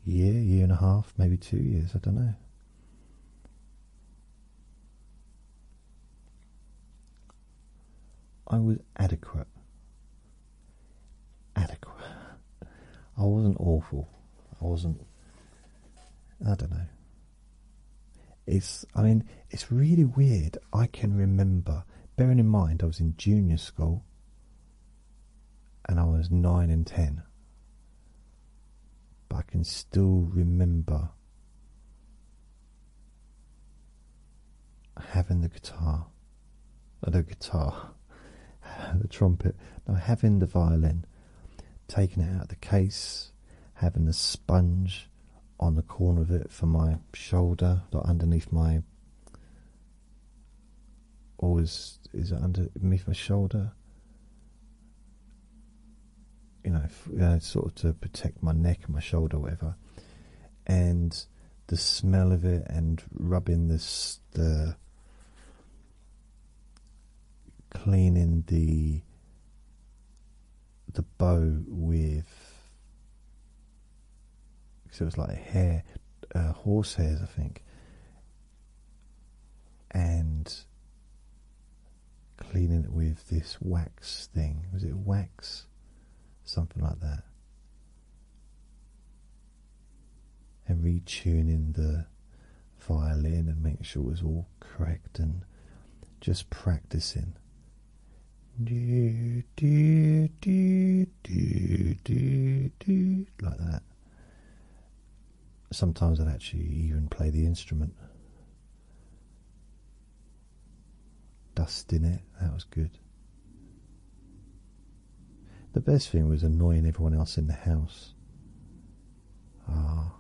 [SPEAKER 1] year, year and a half, maybe two years. I don't know. I was adequate. Adequate. I wasn't awful. I wasn't. I don't know. It's. I mean, it's really weird. I can remember. Bearing in mind, I was in junior school, and I was nine and ten, but I can still remember having the guitar, or uh, the guitar, <laughs> the trumpet, no, having the violin, taking it out of the case, having the sponge on the corner of it for my shoulder, like underneath my. always is, is it underneath my shoulder? you know, uh, sort of to protect my neck my shoulder, whatever. And the smell of it, and rubbing this, the cleaning the the bow with, because it was like hair, uh, horse hairs, I think, and cleaning it with this wax thing. Was it wax? Something like that. And retuning the violin and making sure it was all correct and just practicing. Do, do, do, do, do, do, like that sometimes I'd actually even play the instrument. Dust in it, that was good. The best thing was annoying everyone else in the house. Ah.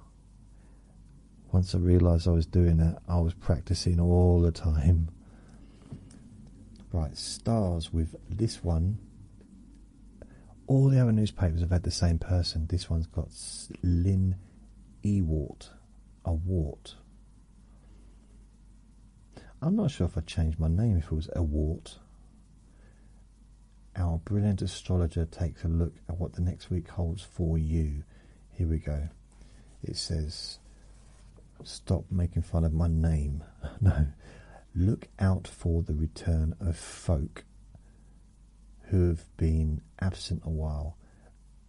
[SPEAKER 1] Once I realised I was doing that, I was practicing all the time. Right, stars with this one all the other newspapers have had the same person. This one's got Lynn Ewart. A wart. I'm not sure if I'd change my name if it was a wart. Our brilliant astrologer takes a look at what the next week holds for you. Here we go. It says, Stop making fun of my name. <laughs> no. Look out for the return of folk who have been absent a while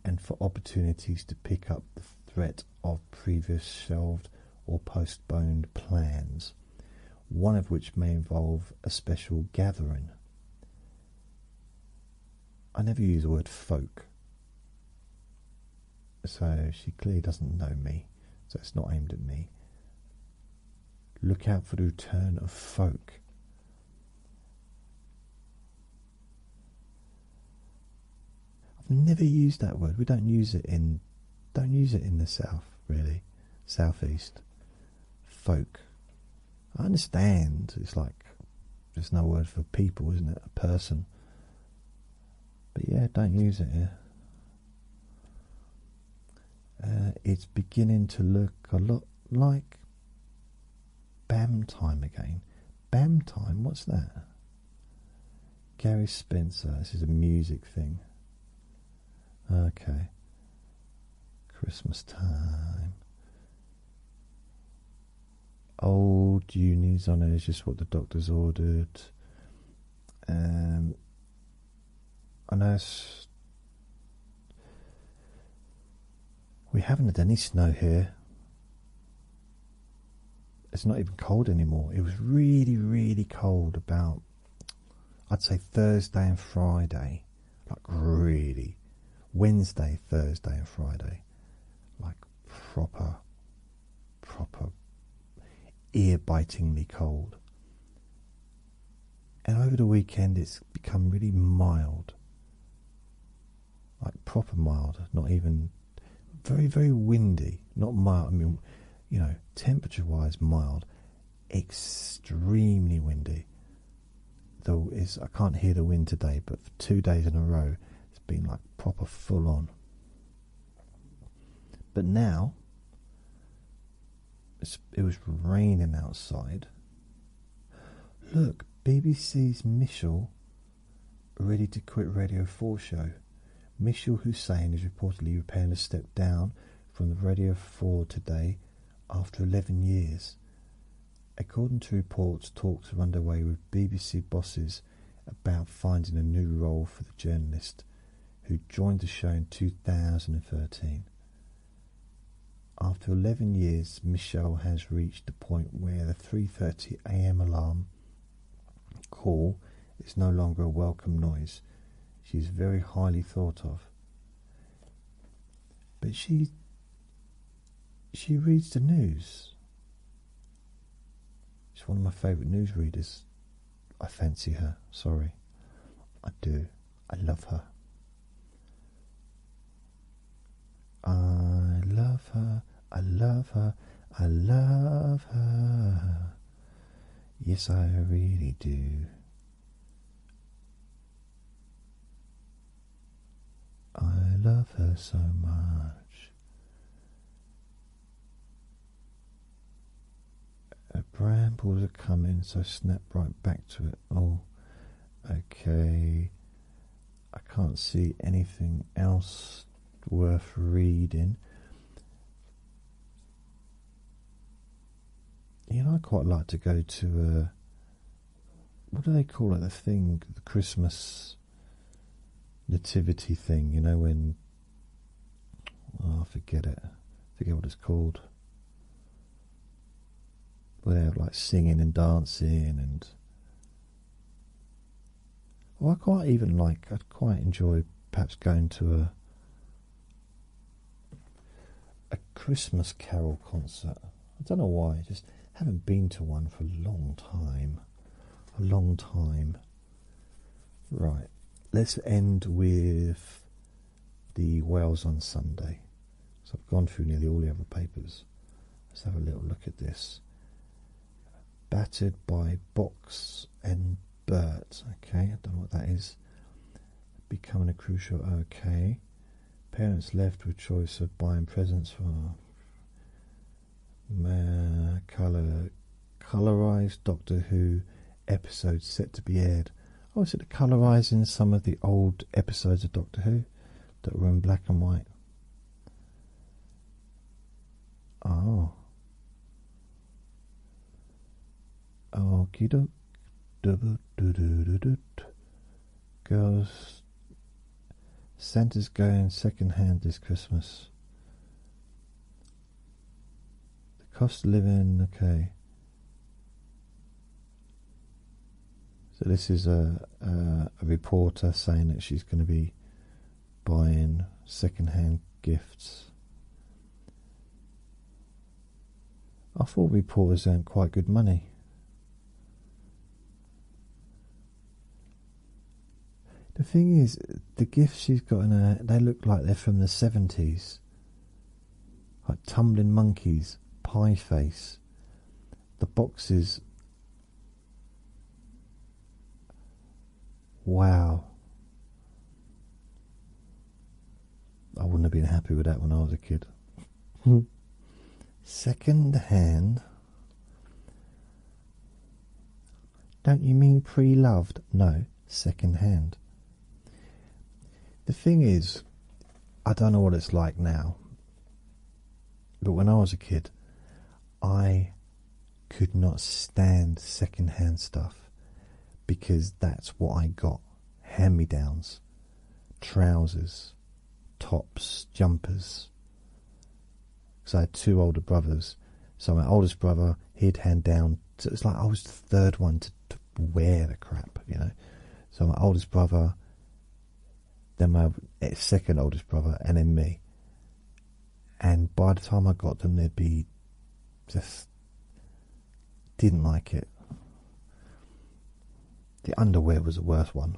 [SPEAKER 1] and for opportunities to pick up the threat of previous shelved or postponed plans, one of which may involve a special gathering. I never use the word folk, so she clearly doesn't know me, so it's not aimed at me. Look out for the return of folk. I've never used that word. We don't use it in don't use it in the south really. Southeast. Folk. I understand it's like there's no word for people, isn't it? A person. But yeah, don't use it here. Uh, it's beginning to look a lot like BAM time again. BAM time, what's that? Gary Spencer, this is a music thing. Okay. Christmas time. Old unis, I know it's just what the doctor's ordered. Um, unless we haven't had any snow here. It's not even cold anymore. It was really, really cold about, I'd say, Thursday and Friday. Like, really. Wednesday, Thursday, and Friday. Like, proper, proper, ear bitingly cold. And over the weekend, it's become really mild. Like proper mild, not even very, very windy. Not mild, I mean, you know, temperature wise, mild, extremely windy. Though is I can't hear the wind today, but for two days in a row, it's been like proper full on. But now, it was raining outside. Look, BBC's Michel ready to quit Radio 4 show. Michel Hussein is reportedly repairing a step down from the Radio 4 today after 11 years. According to reports, talks are underway with BBC bosses about finding a new role for the journalist who joined the show in 2013. After eleven years, Michelle has reached the point where the 3:30 a.m. alarm call is no longer a welcome noise. She is very highly thought of. But she she reads the news. She's one of my favourite newsreaders. I fancy her, sorry. I do. I love her. I love her. I love her. I love her. Yes, I really do. I love her so much. Her brambles are coming, so snap right back to it. Oh, Okay, I can't see anything else worth reading. You know, I quite like to go to a. What do they call it? The thing, the Christmas nativity thing. You know when. Oh, I forget it. forget what it's called without like singing and dancing and well, oh, I quite even like I'd quite enjoy perhaps going to a a Christmas Carol concert. I don't know why, just haven't been to one for a long time. A long time. Right, let's end with the Wales on Sunday. So I've gone through nearly all the other papers. Let's have a little look at this. Battered by Box and Bert. Okay, I don't know what that is. Becoming a crucial. Okay. Parents left with choice of buying presents for color, colorized Doctor Who episode set to be aired I was at the colorizing some of the old episodes of Doctor Who that were in black and white. Oh. Okie doke. Girls. Santa's going second hand this Christmas. The cost of living, okay. So this is a, reporter saying that she's going to be buying second-hand gifts. I thought reporters earned quite good money. The thing is, the gifts she's got in her—they look like they're from the seventies like Tumbling Monkeys, Pie Face. The boxes. Wow. I wouldn't have been happy with that when I was a kid. <laughs> Second hand. Don't you mean pre loved? No, second hand. The thing is, I don't know what it's like now, but when I was a kid, I could not stand secondhand stuff because that's what I got hand me downs, trousers, tops, jumpers. Because I had two older brothers, so my oldest brother he'd hand down. So it's like I was the third one to wear the crap, you know. So my oldest brother then my second oldest brother, and then me. And by the time I got them, they'd be just didn't like it. The underwear was the worst one.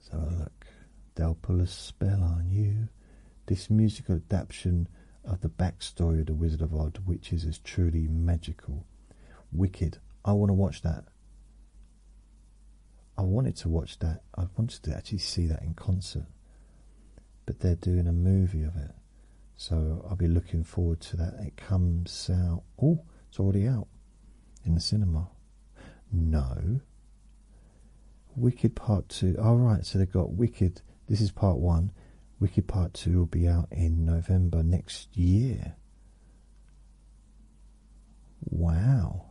[SPEAKER 1] So look, they'll pull a spell on you. This musical adaptation of the backstory of the Wizard of Oz, which is as truly magical, Wicked. I want to watch that. I wanted to watch that. I wanted to actually see that in concert. But they're doing a movie of it. So I'll be looking forward to that. It comes out. Oh, it's already out in the cinema. No. Wicked Part 2. Alright, oh, so they've got Wicked. This is Part 1. Wicked Part 2 will be out in November next year. Wow.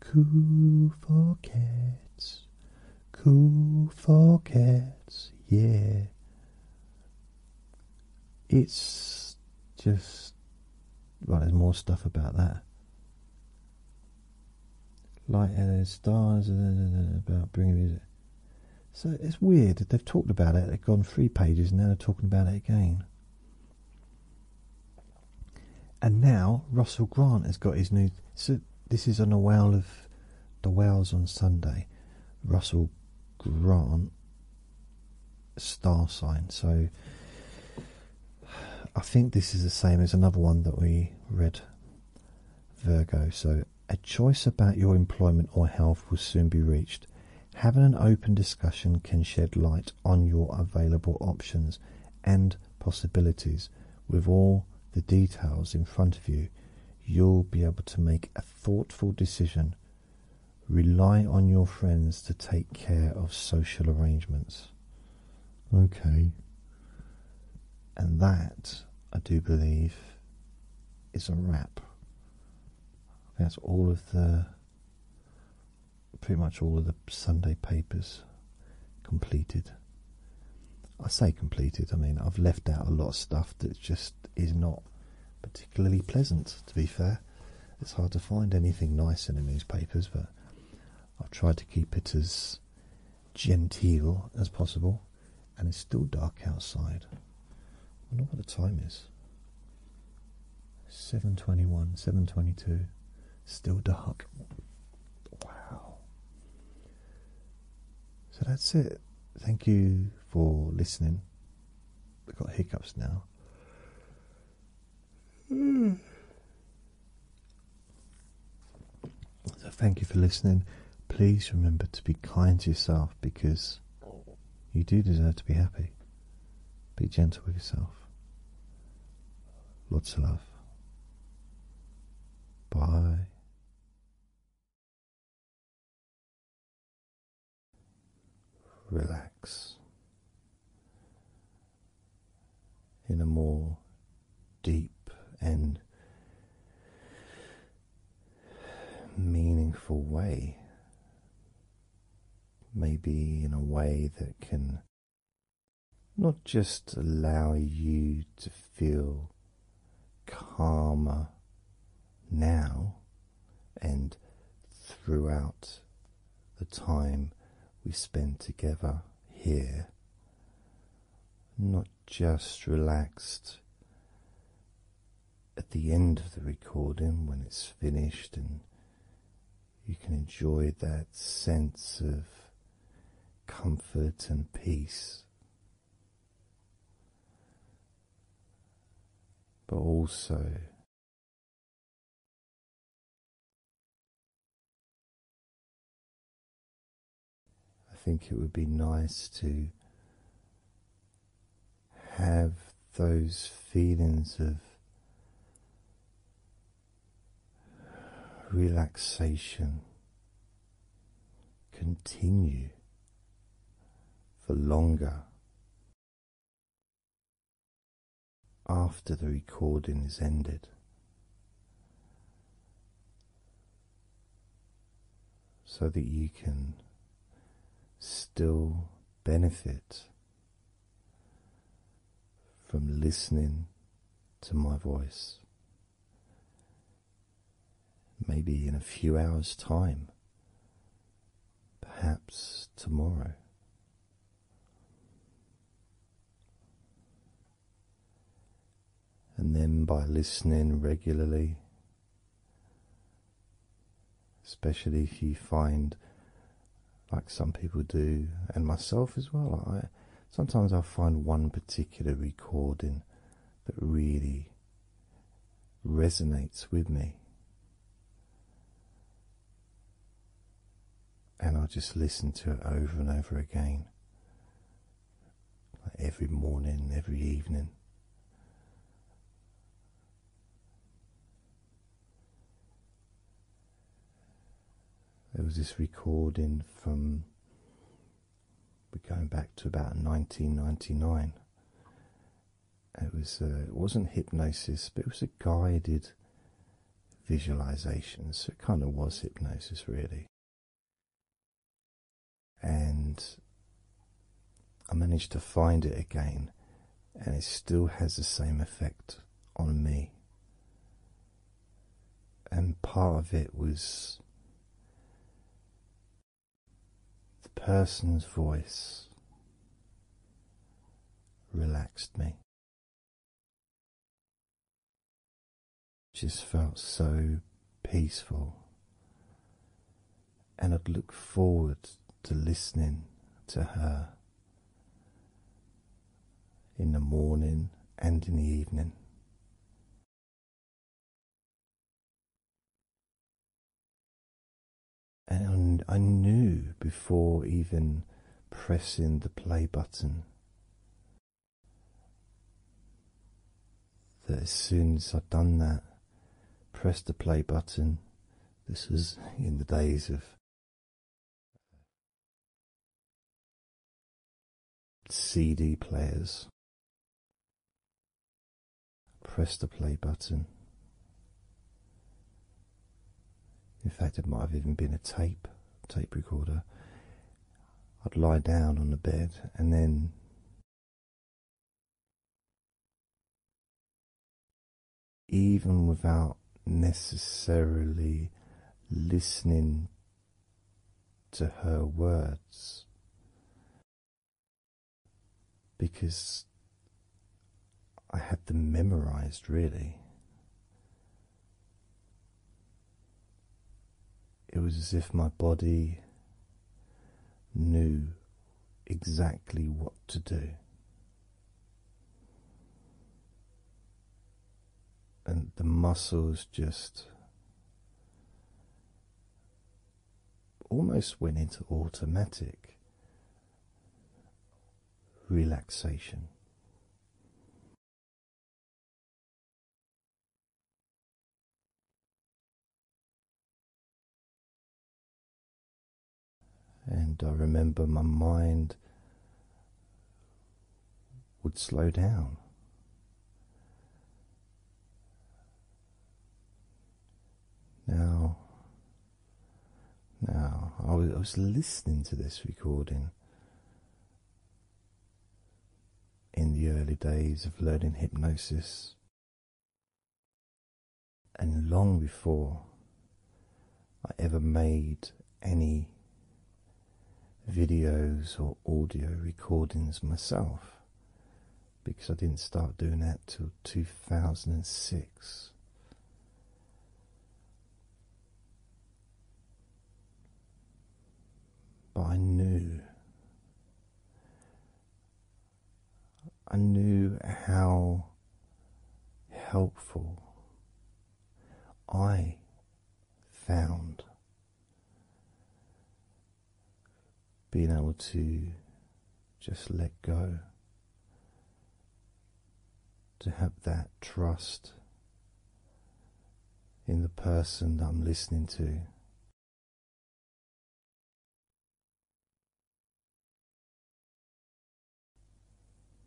[SPEAKER 1] Cool for cats, cool for cats, yeah. It's just. Well, there's more stuff about that. Light and stars, and uh, about bringing music. So it's weird. They've talked about it. They've gone three pages and now they're talking about it again. And now Russell Grant has got his new. So this is on the Whale of the Wales on Sunday. Russell Grant star sign. So I think this is the same as another one that we read, Virgo. So a choice about your employment or health will soon be reached. Having an open discussion can shed light on your available options and possibilities. With all the details in front of you, you'll be able to make a thoughtful decision. Rely on your friends to take care of social arrangements. Okay. And that, I do believe, is a wrap that's all of the pretty much all of the Sunday papers completed. I say completed, I mean, I've left out a lot of stuff that just is not particularly pleasant, to be fair. It's hard to find anything nice in the newspapers, but I've tried to keep it as genteel as possible and it's still dark outside. I wonder what the time is. 7.21, 7.22, still dark. Wow. So that's it. Thank you for listening. I've got hiccups now. <sighs> So thank you for listening. Please remember to be kind to yourself because you do deserve to be happy. Be gentle with yourself. Lots of love. Bye.
[SPEAKER 3] Relax
[SPEAKER 1] in a more deep and meaningful way. Maybe in a way that can not just allow you to feel calmer now and throughout the time we spend together here, not just relaxed at the end of the recording when it's finished and you can enjoy that sense of comfort and peace.
[SPEAKER 3] But also
[SPEAKER 1] I think it would be nice to have those feelings of relaxation continue for longer after the recording is ended so that you can still benefit from listening to my voice. Maybe in a few hours' time, perhaps tomorrow. And then by listening regularly especially if you find like some people do and myself as well i sometimes i find one particular recording that really resonates with me and i'll just listen to it over and over again like every morning every evening there was this recording from we're going back to about 1999. It was uh, it wasn't hypnosis, but it was a guided visualization, so it kind of was hypnosis really. And I managed to find it again, and it still has the same effect on me. And part of it was the person's voice relaxed me. Just felt so peaceful and I'd look forward to listening to her in the morning and in the evening. And I knew before even pressing the play button that as soon as I'd done that, press the play button, this was in the days of uh, CD players. Press the play button. In fact, it might have even been a tape, tape recorder. I'd lie down on the bed and then even without necessarily listening to her words, because I had them memorized really. It was as if my body knew exactly what to do. And the muscles just almost went into automatic relaxation. And I remember my mind would slow down. Now, now I was, I was listening to this recording in the early days of learning hypnosis. And long before I ever made any videos or audio recordings myself, because I didn't start doing that till 2006. But I knew I knew how helpful I found being able to just let go, to have that trust in the person that I'm listening to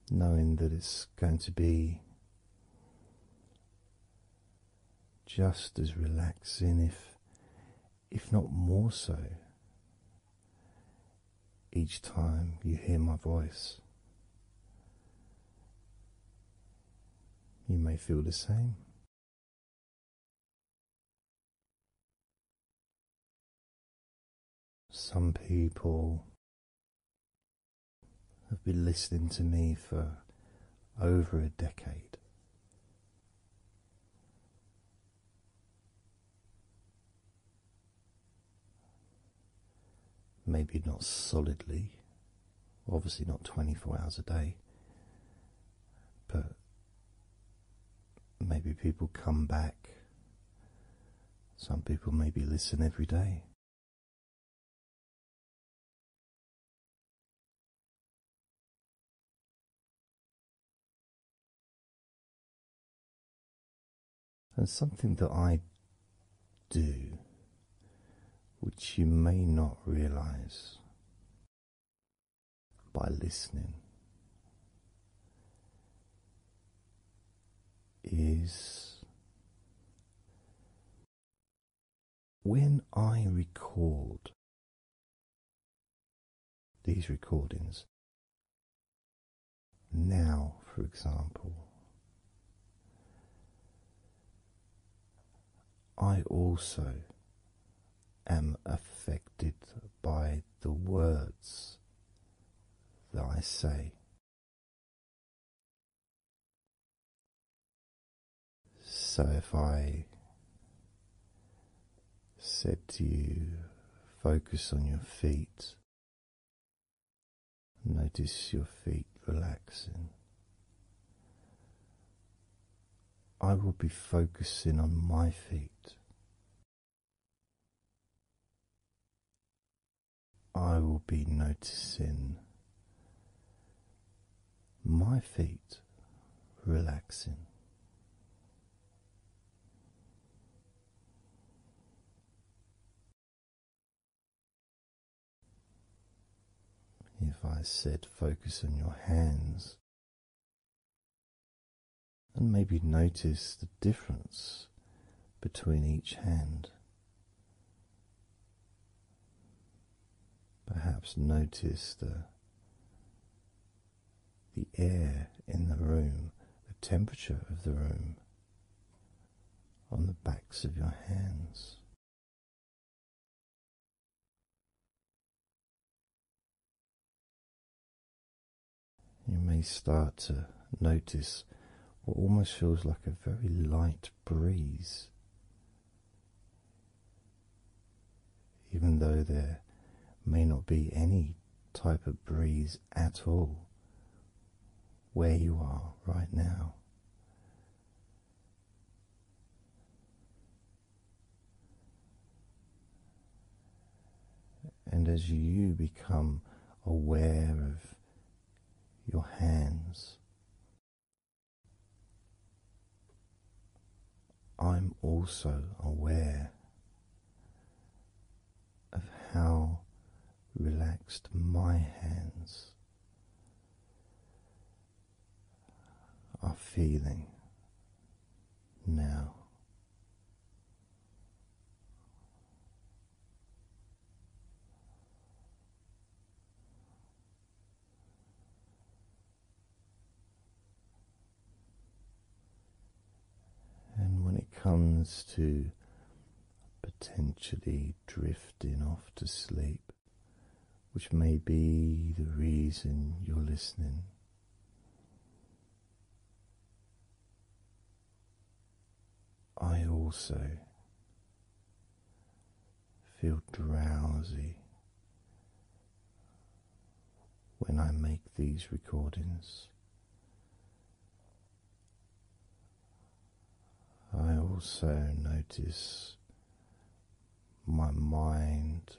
[SPEAKER 1] knowing that it's going to be just as relaxing if if not more so each time you hear my voice you may feel the same some people have been listening to me for over a decade. Maybe not solidly, obviously not 24 hours a day, but Maybe people come back. Some people maybe listen every day. And something that I do, which you may not realize, by listening is when I
[SPEAKER 3] record these recordings
[SPEAKER 1] now, for example, I also am affected by the words that
[SPEAKER 3] I say.
[SPEAKER 1] So if I said to you, focus on your feet, notice your feet relaxing. I will be focusing on my feet I will be noticing my feet relaxing.
[SPEAKER 3] If I said
[SPEAKER 1] focus on your hands, and maybe notice the difference between each hand. Perhaps notice the the air in the room, the temperature of the room on the backs of your hands. You may start to notice what almost feels like a very light breeze, even though there may not be any type of breeze at all where you are right now. And as you become aware of your hands, I'm also aware of how relaxed my hands are feeling now. And when it comes to potentially drifting off to sleep, which may be the reason you're listening. I also feel drowsy when I make these recordings. I also notice my mind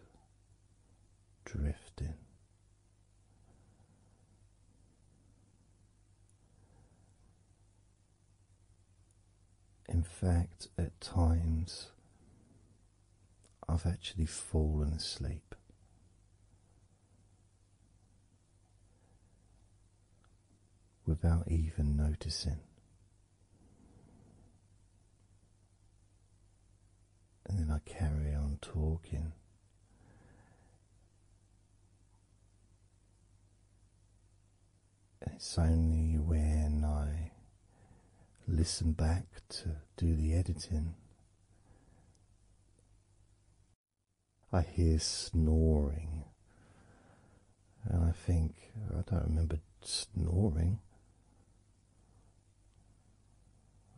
[SPEAKER 1] drifting. In fact, at times I've actually fallen asleep. Without even noticing, and then I carry on talking it's only when I listen back to do the editing. I hear snoring, and I think I don't remember snoring.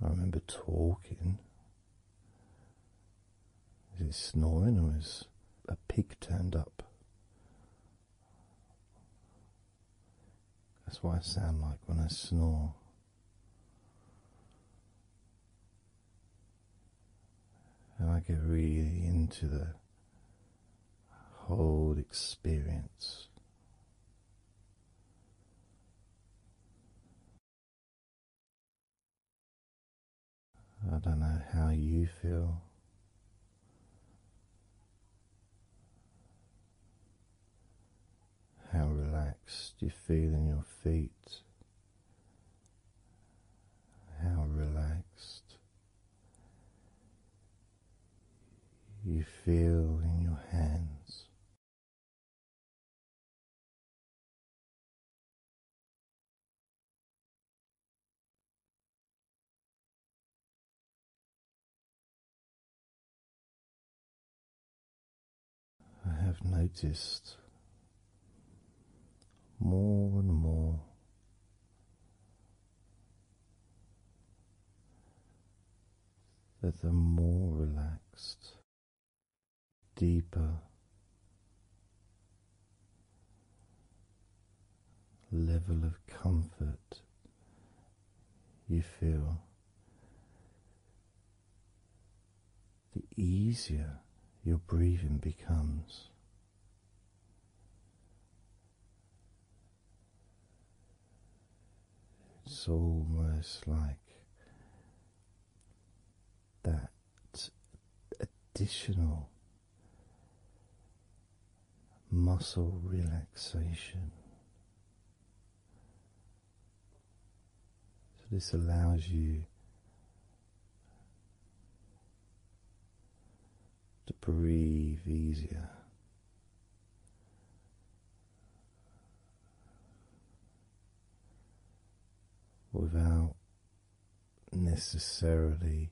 [SPEAKER 1] I remember talking, is it snoring or is a pig turned up? That's what I sound like when I snore. And I get really into the whole experience. I don't know how you feel. How relaxed you feel in your feet, how relaxed you feel in
[SPEAKER 3] your hands,
[SPEAKER 1] I have noticed more and more. That the more relaxed deeper level of comfort you feel, the easier your breathing becomes. It's almost like that additional muscle relaxation. So, this allows you to breathe easier without necessarily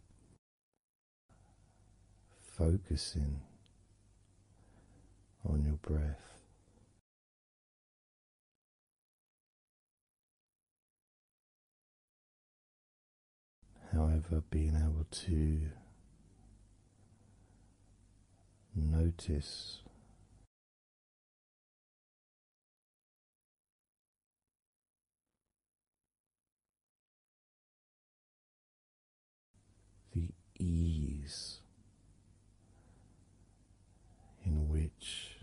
[SPEAKER 1] focusing
[SPEAKER 3] on your breath. However, being able to notice the ease in which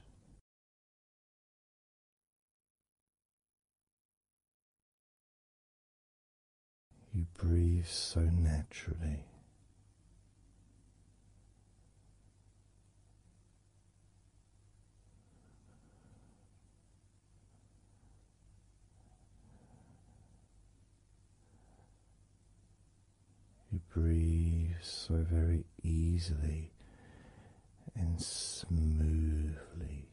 [SPEAKER 3] you breathe so naturally.
[SPEAKER 1] You breathe so very easily and
[SPEAKER 3] smoothly.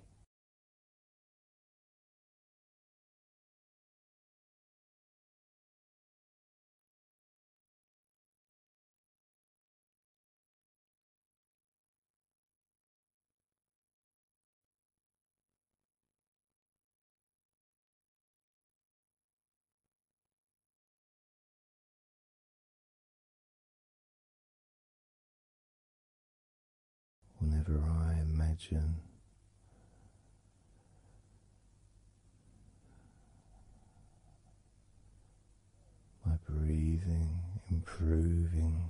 [SPEAKER 3] Whenever I imagine
[SPEAKER 1] my breathing improving.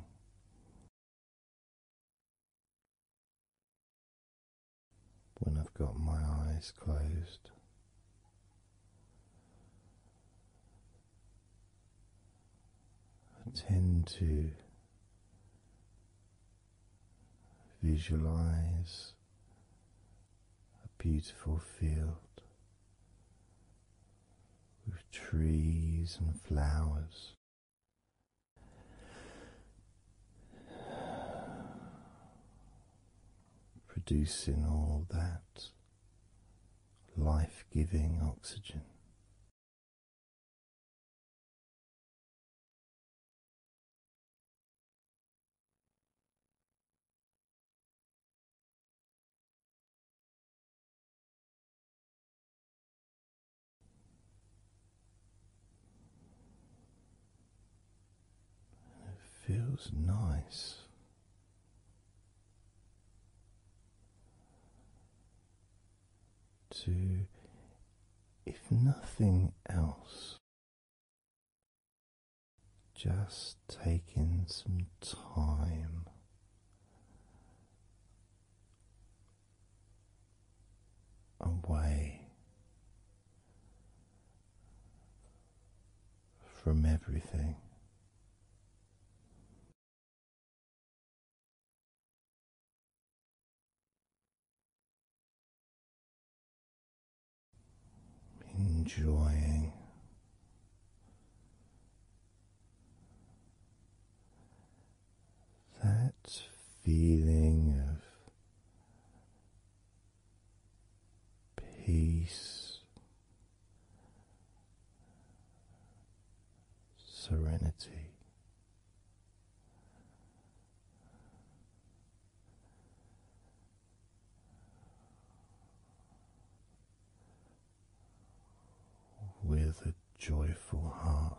[SPEAKER 1] When I've got my eyes closed, I tend to visualize a beautiful field with trees and flowers. Producing all that life giving oxygen it feels nice. To, if nothing else, just taking some time away from everything
[SPEAKER 3] enjoying
[SPEAKER 1] that feeling of peace, serenity with a joyful heart.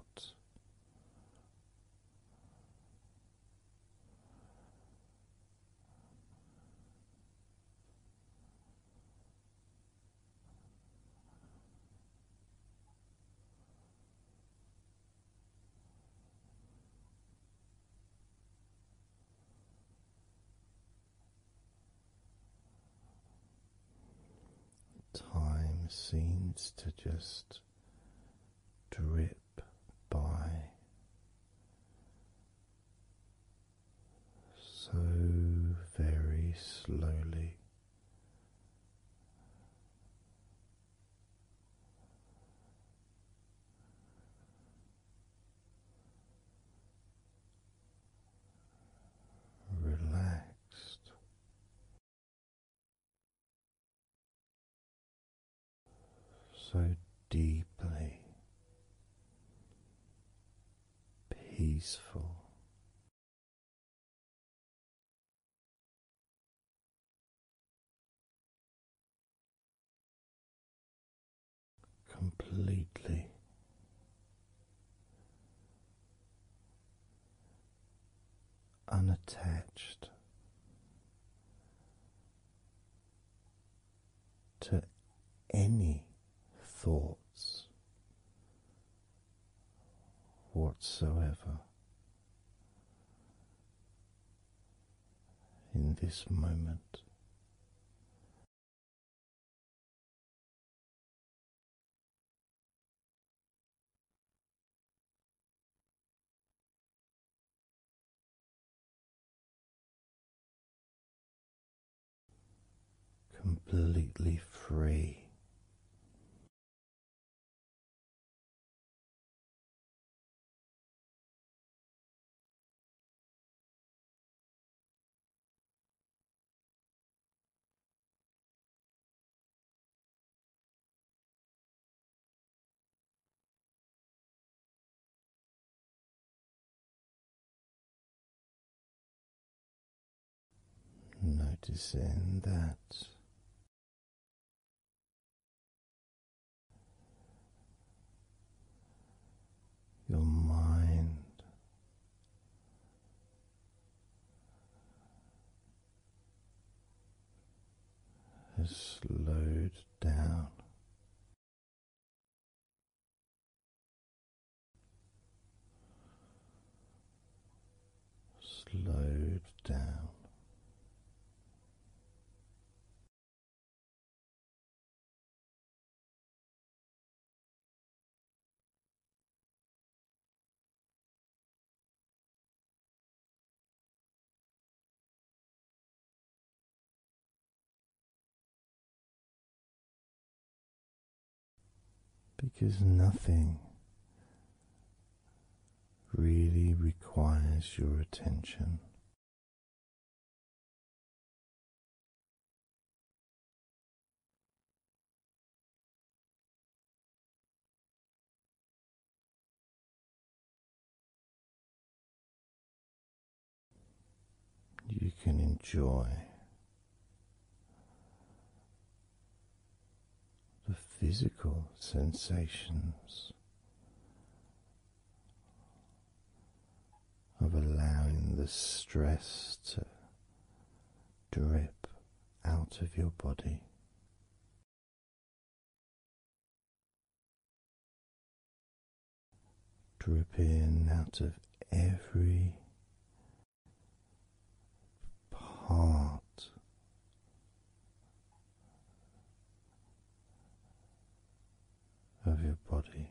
[SPEAKER 1] Time seems to just drip by so very slowly
[SPEAKER 3] relaxed. So deeply peaceful completely.
[SPEAKER 1] Unattached to any thoughts whatsoever in this moment,
[SPEAKER 3] completely free. Noticing that your mind.
[SPEAKER 1] Has slowed down.
[SPEAKER 3] Slowed down, because nothing really requires your attention.
[SPEAKER 1] You can enjoy the physical sensations of allowing the stress to drip out of your body. Drip in out of every part of your body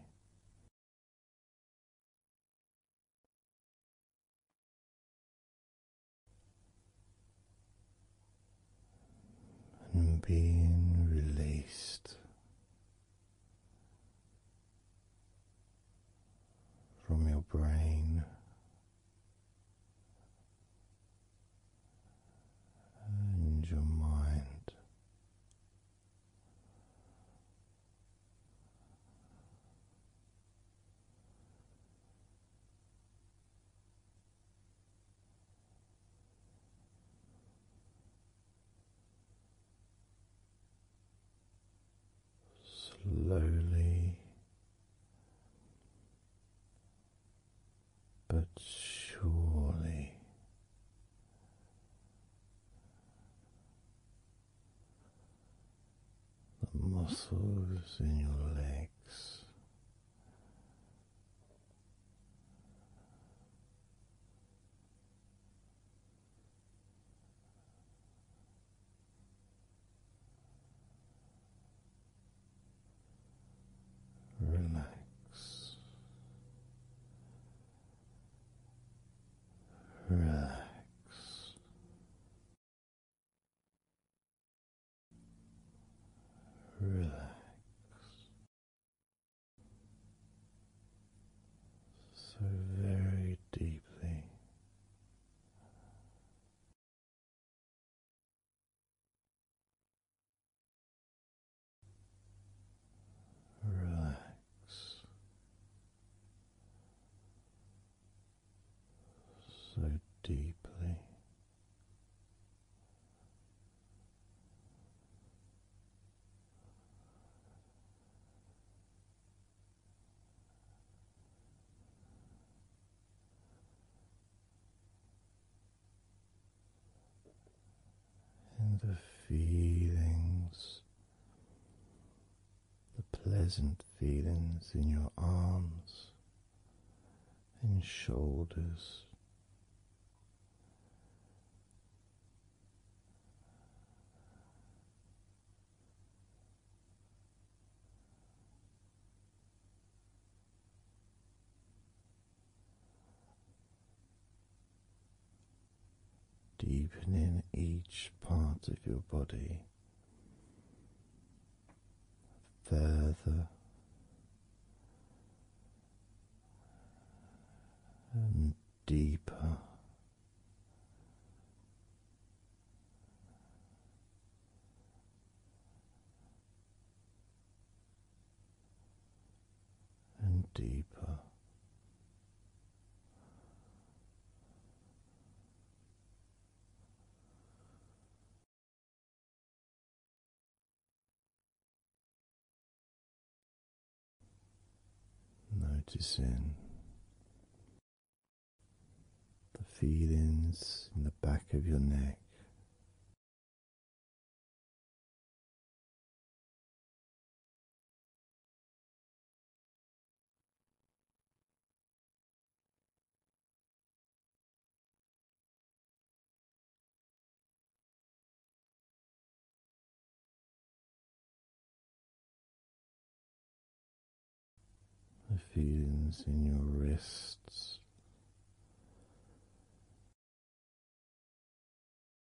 [SPEAKER 1] and being released from your brain. And your mind, Slowly but surely the muscles in your legs. Relax Relax. Relax. So very deeply.
[SPEAKER 3] Relax so deeply.
[SPEAKER 1] And the feelings the pleasant feelings in your arms and shoulders. Deepen in each part of your body further and deeper. And deeper,
[SPEAKER 3] Noticing the feelings in the back of your neck, the feelings in your wrists.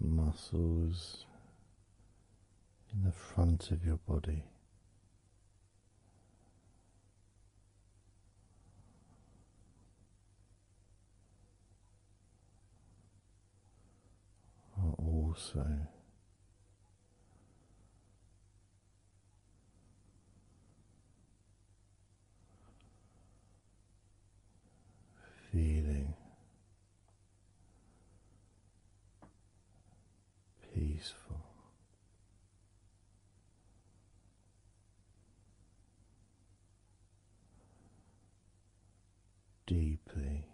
[SPEAKER 1] muscles in the front of your body. Are also feeling peaceful. Deeply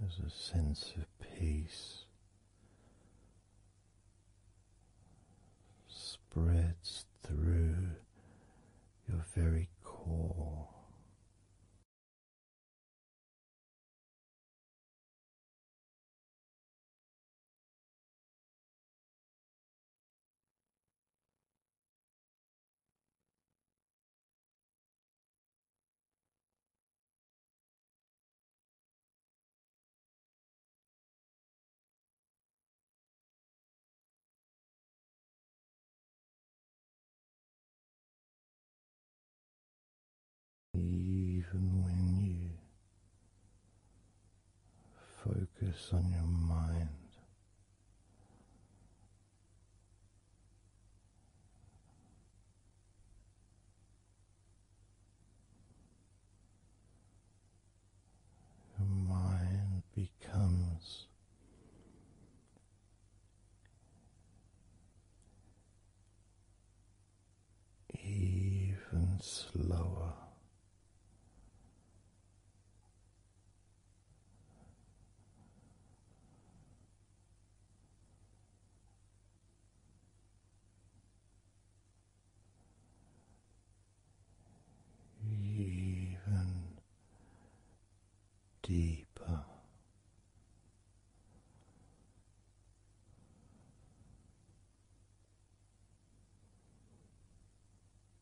[SPEAKER 1] there's a sense of peace spreads through your very core.
[SPEAKER 3] Even when you
[SPEAKER 1] focus on your mind your mind becomes even slower even deeper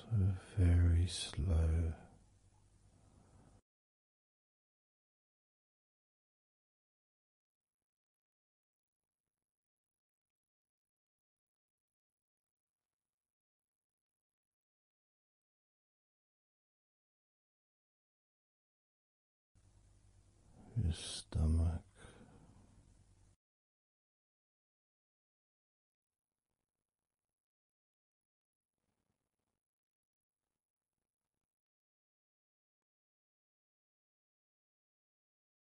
[SPEAKER 3] So very slow. Your stomach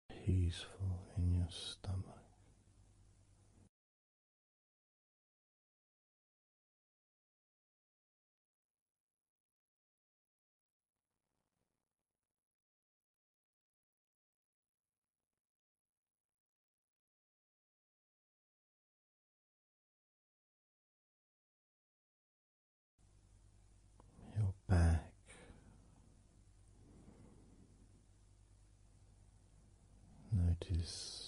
[SPEAKER 3] Peaceful in your stomach.
[SPEAKER 1] Your back, notice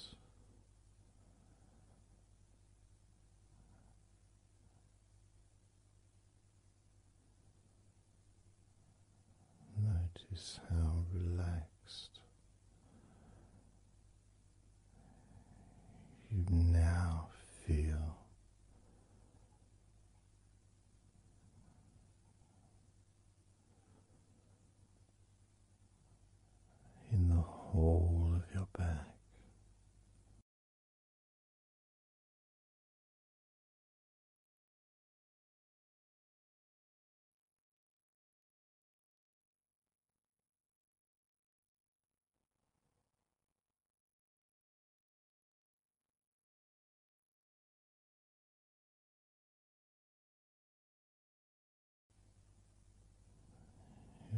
[SPEAKER 1] Notice how relaxed you now feel. In the whole of your back,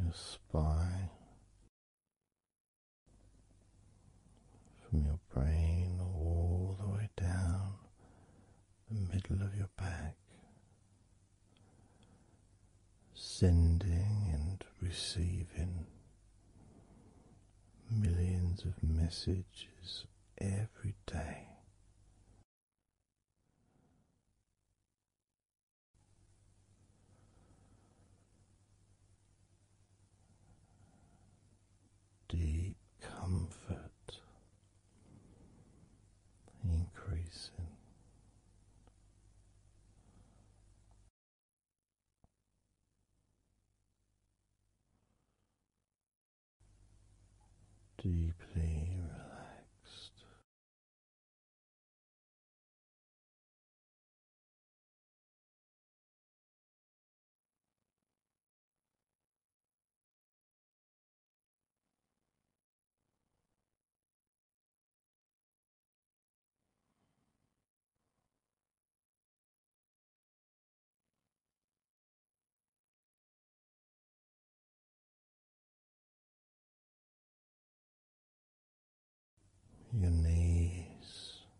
[SPEAKER 1] your spy from your brain all the way down the middle of your back, sending and receiving millions of messages every day deep comfort increasing.
[SPEAKER 3] Deeply relaxed, your knees.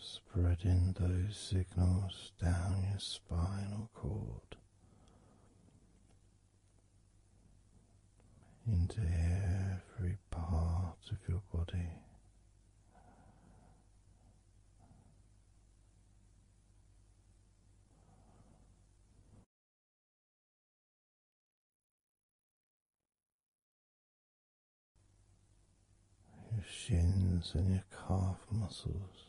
[SPEAKER 1] spreading those signals down your spinal cord into every part of your body
[SPEAKER 3] your shins and your calf muscles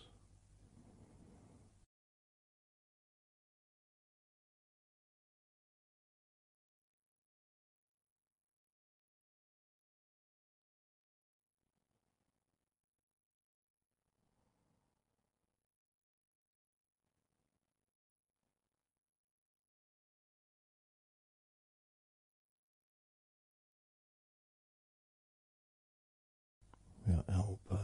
[SPEAKER 2] your
[SPEAKER 1] elbows.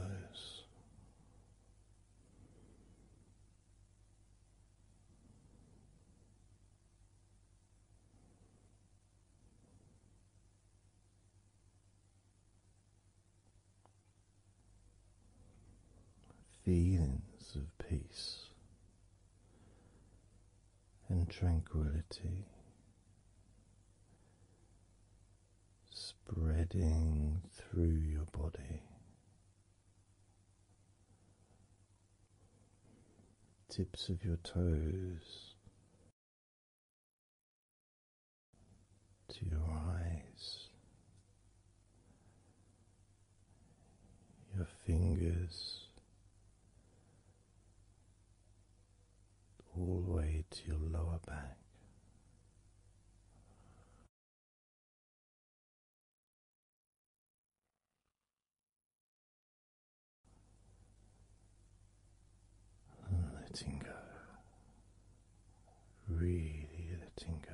[SPEAKER 1] Feelings of peace and tranquility spreading through your body. Tips of your toes to your eyes your fingers all the way to your lower back. letting go, really letting go.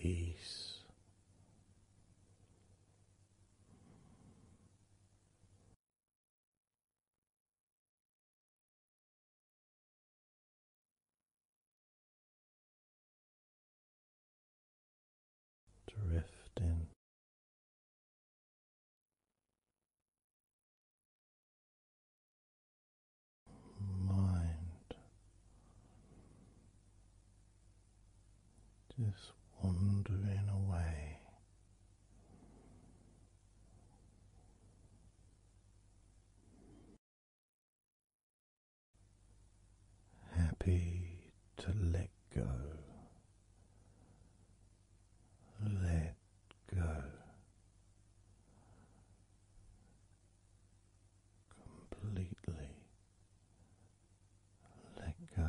[SPEAKER 3] peace. Drifting
[SPEAKER 1] mind just wandering away. Happy to let go, let go, completely let go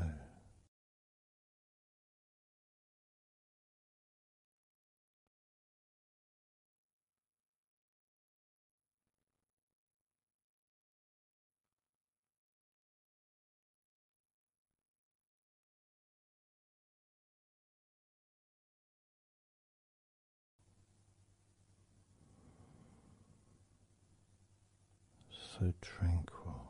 [SPEAKER 3] so tranquil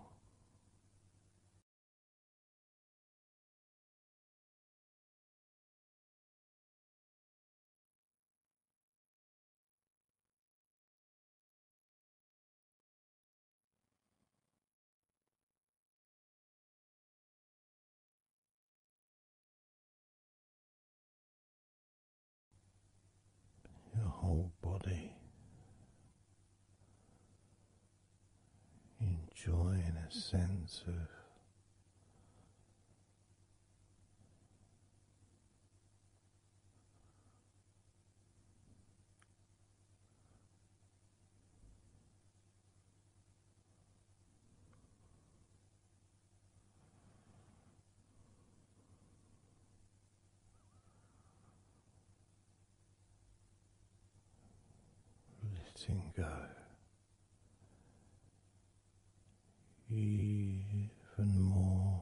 [SPEAKER 1] your whole body, enjoying a sense of letting go even more.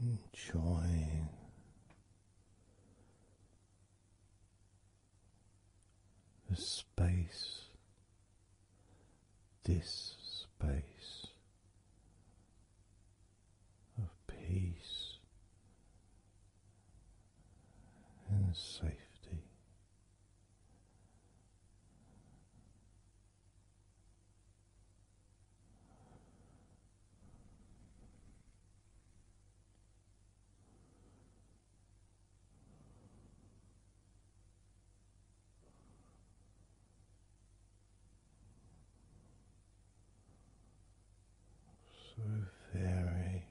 [SPEAKER 1] Enjoy the space, this space of peace and safety. So very,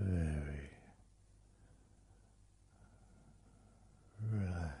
[SPEAKER 1] very relaxed.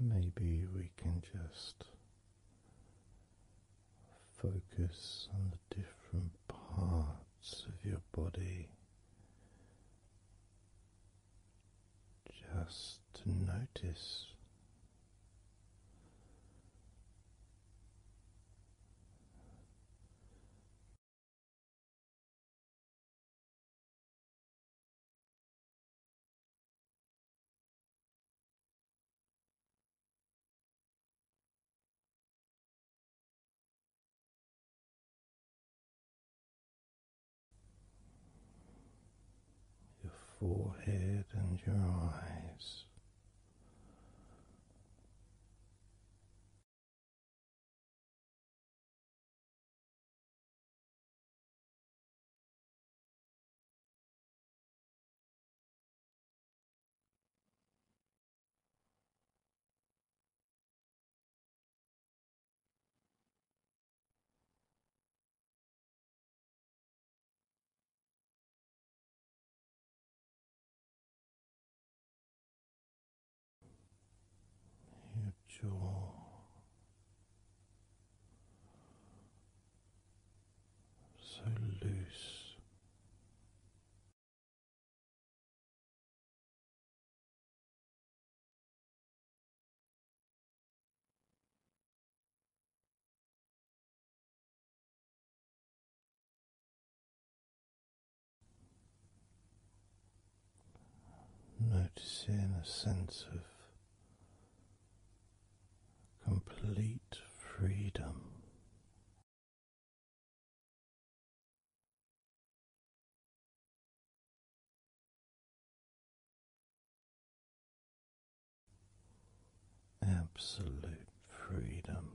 [SPEAKER 1] Maybe we can just focus on the different parts of your body just to notice your forehead and your eyes. Your jaw so
[SPEAKER 3] loose.
[SPEAKER 1] Noticing a sense of complete
[SPEAKER 3] freedom. Absolute freedom.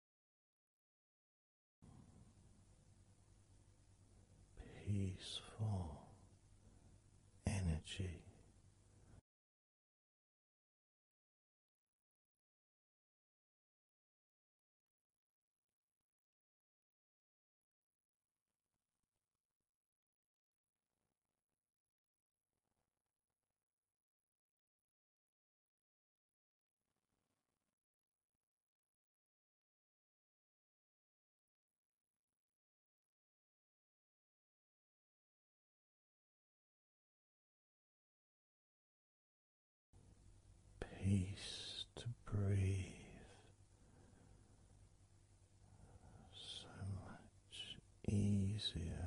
[SPEAKER 3] peaceful energy. Peace to
[SPEAKER 1] breathe. So much easier.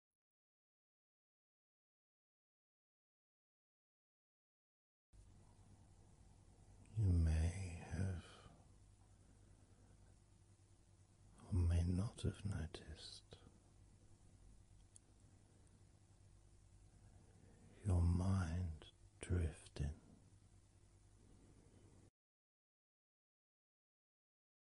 [SPEAKER 1] You may have or may not have noticed your mind drifting.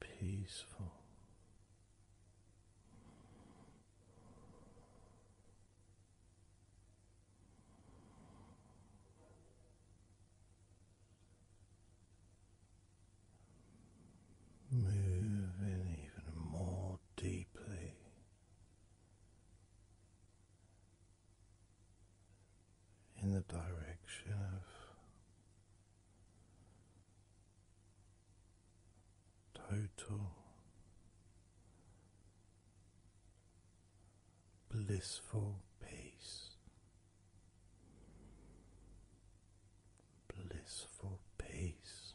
[SPEAKER 3] peaceful.
[SPEAKER 1] Moving even more deeply in the direction of total blissful peace,
[SPEAKER 3] blissful peace.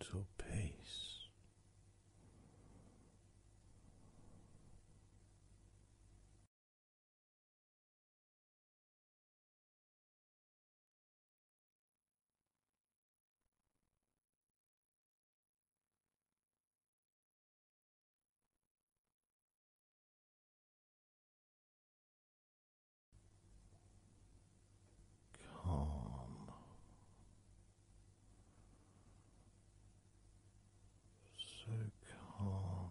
[SPEAKER 3] total peace.
[SPEAKER 1] Calm, so calm.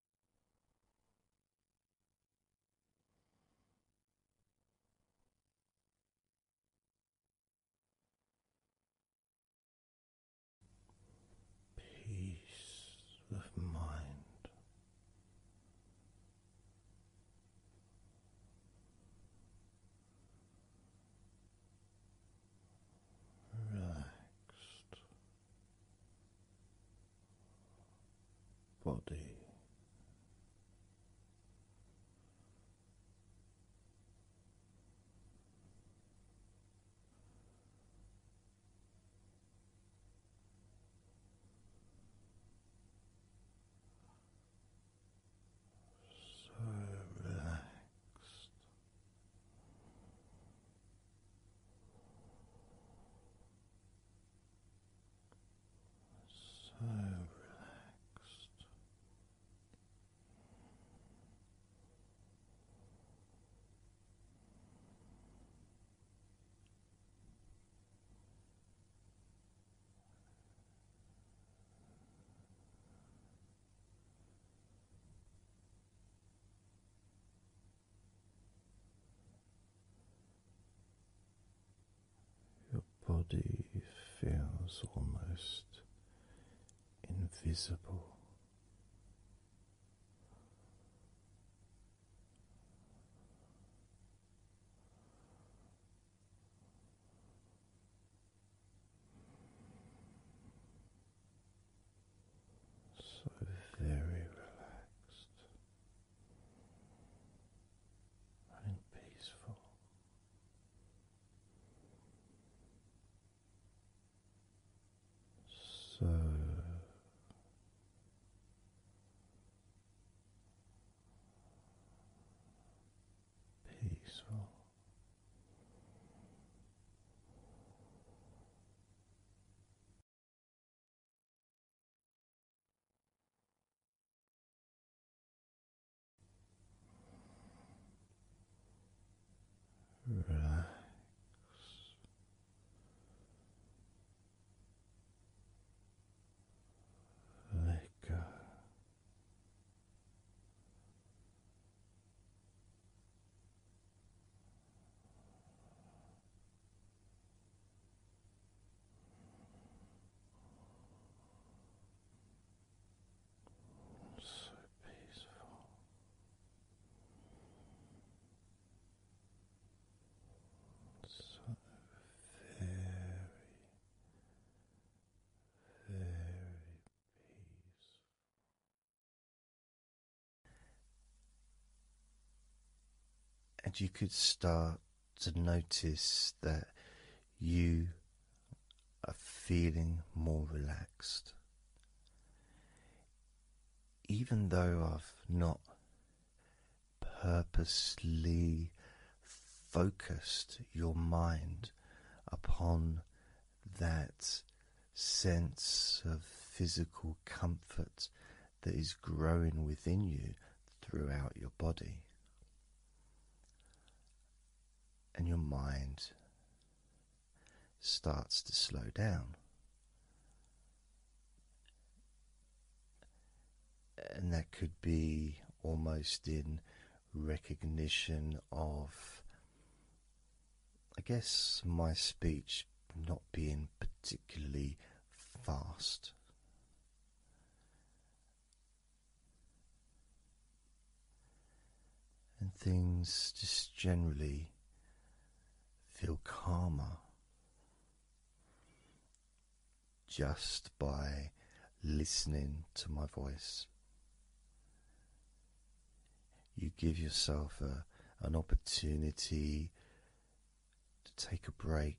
[SPEAKER 3] Peace of mind,
[SPEAKER 2] relaxed
[SPEAKER 1] body. So relaxed so relaxed. Your body feels almost invisible. So very relaxed and peaceful. So peaceful. Relax. Let go. So peaceful. So very, very peaceful. And you could start to notice that you are feeling more relaxed. Even though I've not purposely focused your mind upon that sense of physical comfort that is growing within you throughout your body and your mind starts to slow down. And that could be almost in recognition of, I guess, my speech not being particularly fast and things just generally feel calmer just by listening to my voice. You give yourself a, an opportunity to take a break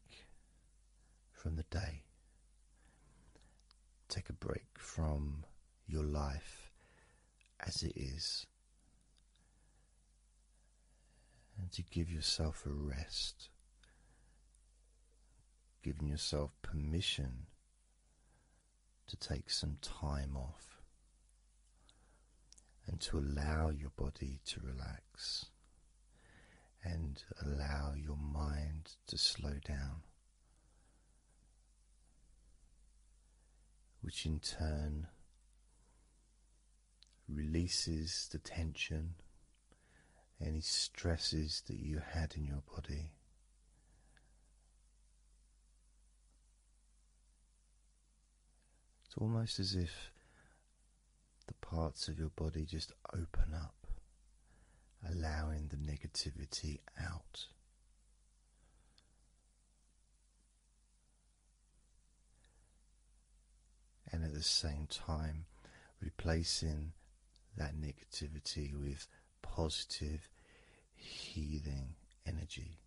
[SPEAKER 1] from the day. Take a break from your life as it is, and to give yourself a rest, giving yourself permission to take some time off and to allow your body to relax and allow your mind to slow down, which in turn releases the tension, any stresses that you had in your body. It's almost as if the parts of your body just open up, allowing the negativity out. And at the same time, replacing that negativity with positive, healing energy,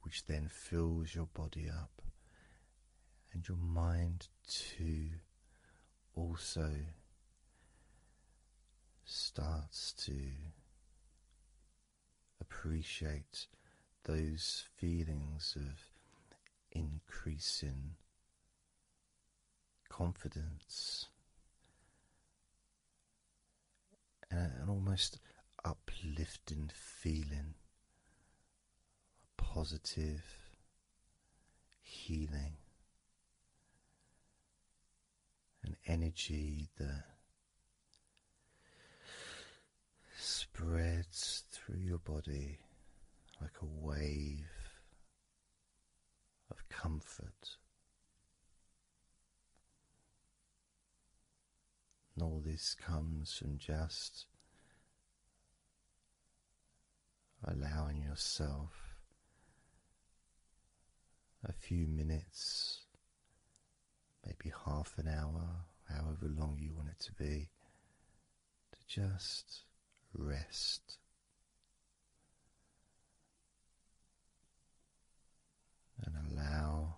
[SPEAKER 1] which then fills your body up and your mind too also starts to appreciate those feelings of increasing confidence and an almost uplifting feeling positive healing, an energy that spreads through your body like a wave of comfort. And all this comes from just allowing yourself a few minutes, maybe half an hour, however long you want it to be, to just rest. And allow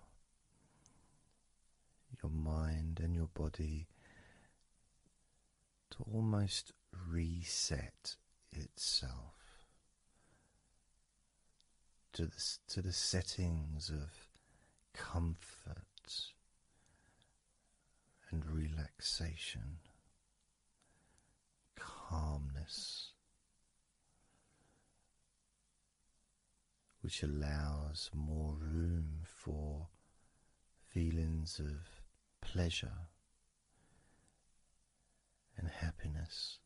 [SPEAKER 1] your mind and your body to almost reset itself to the, to the settings of comfort and relaxation, calmness which allows more room for feelings of pleasure and happiness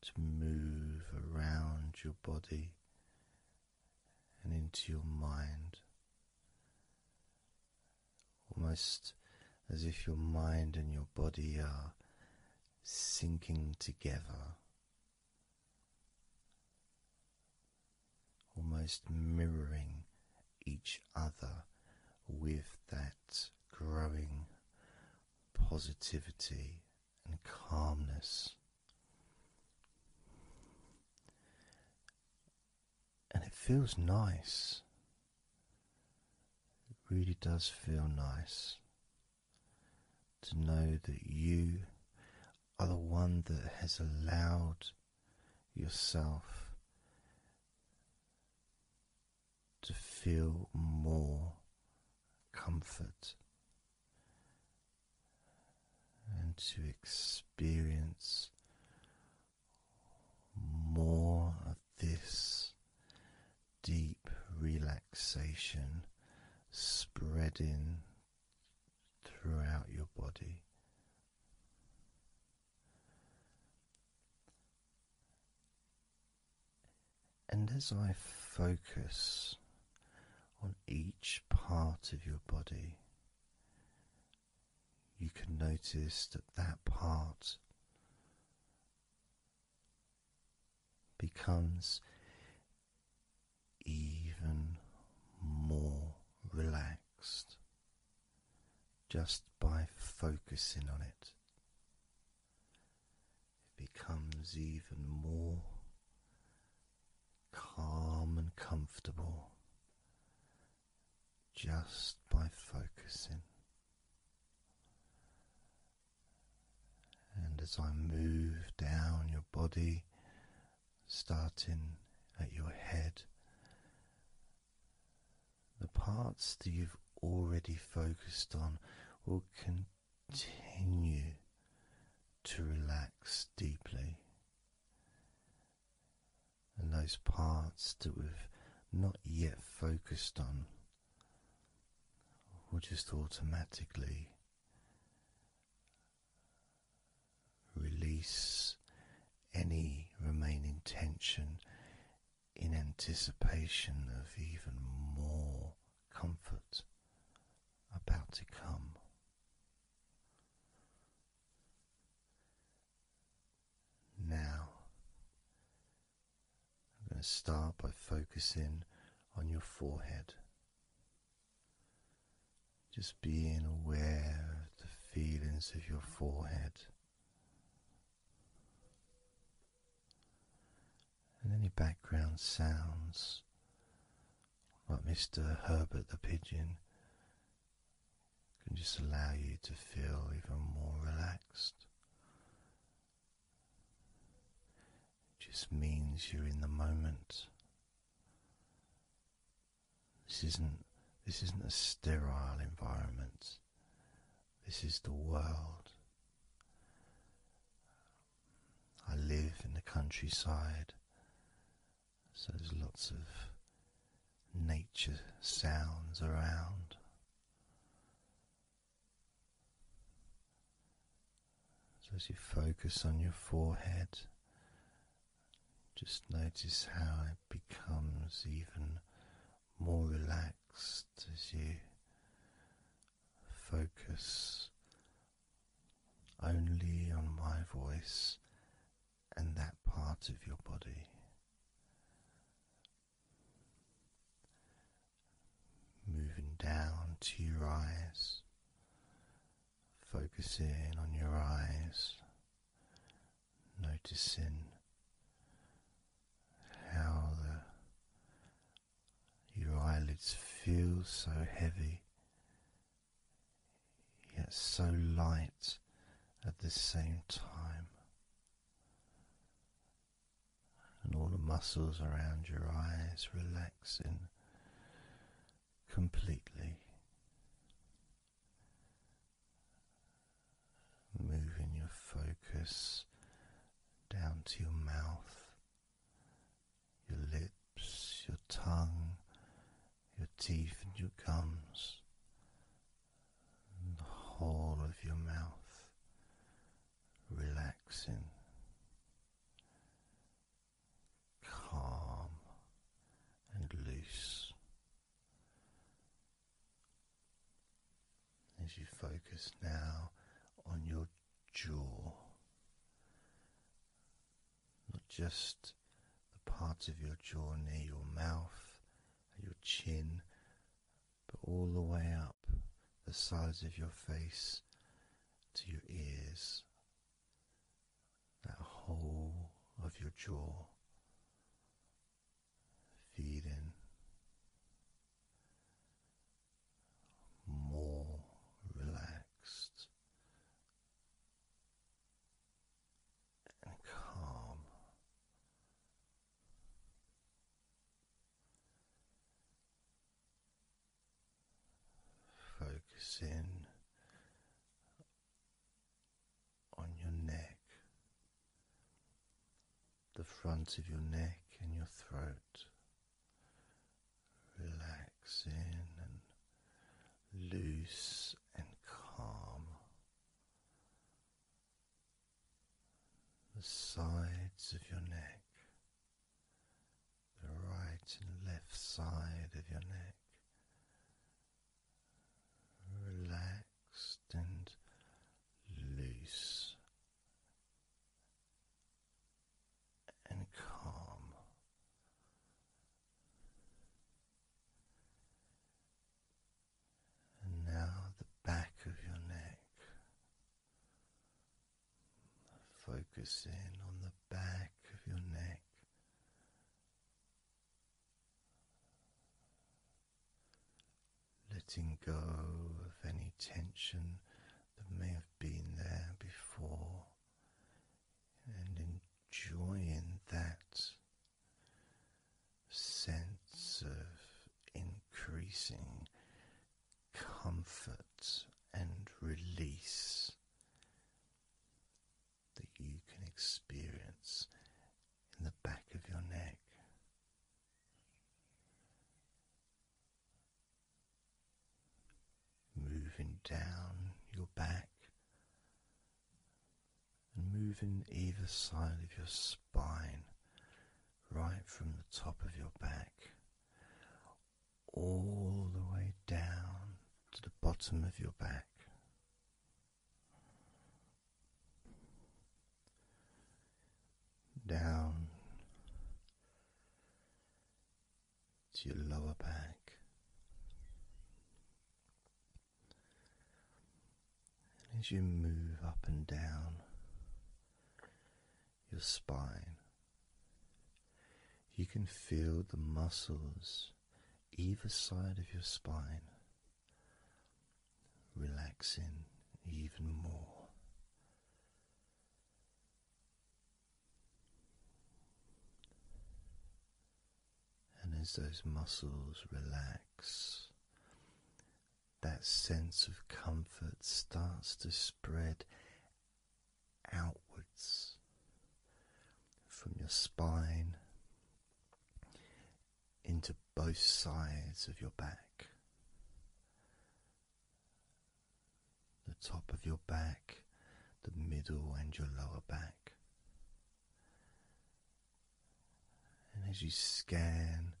[SPEAKER 1] to move around your body and into your mind. Almost as if your mind and your body are sinking together almost mirroring each other with that growing positivity and calmness. And it feels nice. It really does feel nice to know that you are the one that has allowed yourself to feel more comfort and to experience more of this deep relaxation spreading throughout your body. And as I focus on each part of your body, you can notice that that part becomes even more relaxed just by focusing on it. It becomes even more calm and comfortable just by focusing. And as I move down your body, starting at your head, the parts that you've already focused on will continue to relax deeply. And those parts that we've not yet focused on will just automatically Release any remaining tension in anticipation of even more comfort about to come. Now, I'm going to start by focusing on your forehead. Just being aware of the feelings of your forehead and any background sounds like Mr. Herbert the Pigeon can just allow you to feel even more relaxed just means you're in the moment. This isn't this isn't a sterile environment. This is the world. I live in the countryside, so there's lots of nature sounds around. So, as you focus on your forehead, just notice how it becomes even more relaxed as you focus only on my voice and that part of your body. Moving down to your eyes, Focusing on your eyes, noticing how your eyelids feel so heavy yet so light at the same time, and all the muscles around your eyes relaxing completely. Moving your focus down to your mouth, your lips, your tongue, your teeth, and your gums, the whole of your mouth relaxing calm and loose as you focus now on your jaw, not just the parts of your jaw near your mouth, your chin, but all the way up the sides of your face to your ears that whole of your jaw, feeling more relaxed and calm. Focus in on your neck, the front of your neck and your throat, relaxing and loose and calm. The sides of your neck, the right and left side of your neck relaxed and loose and calm. And now the back of your neck. Focus in on the back of your neck letting go of any tension that may have been there before, and enjoying that sense of increasing comfort and release that you can experience in the back of your neck. Moving down your back and moving either side of your spine, right from the top of your back all the way down to the bottom of your back. Down to your lower back, and as you move up and down your spine, you can feel the muscles either side of your spine relaxing even more. And as those muscles relax, that sense of comfort starts to spread outwards from your spine into both sides of your back. The top of your back, the middle, and your lower back. And as you scan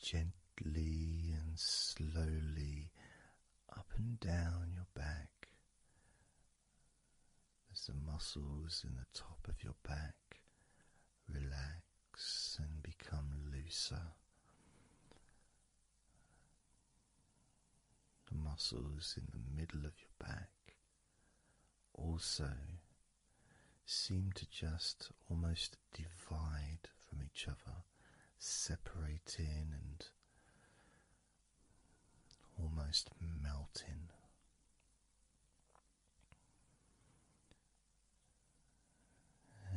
[SPEAKER 1] gently and slowly up and down your back as the muscles in the top of your back relax and become looser. The muscles in the middle of your back also seem to just almost divide from each other, separating and almost melting.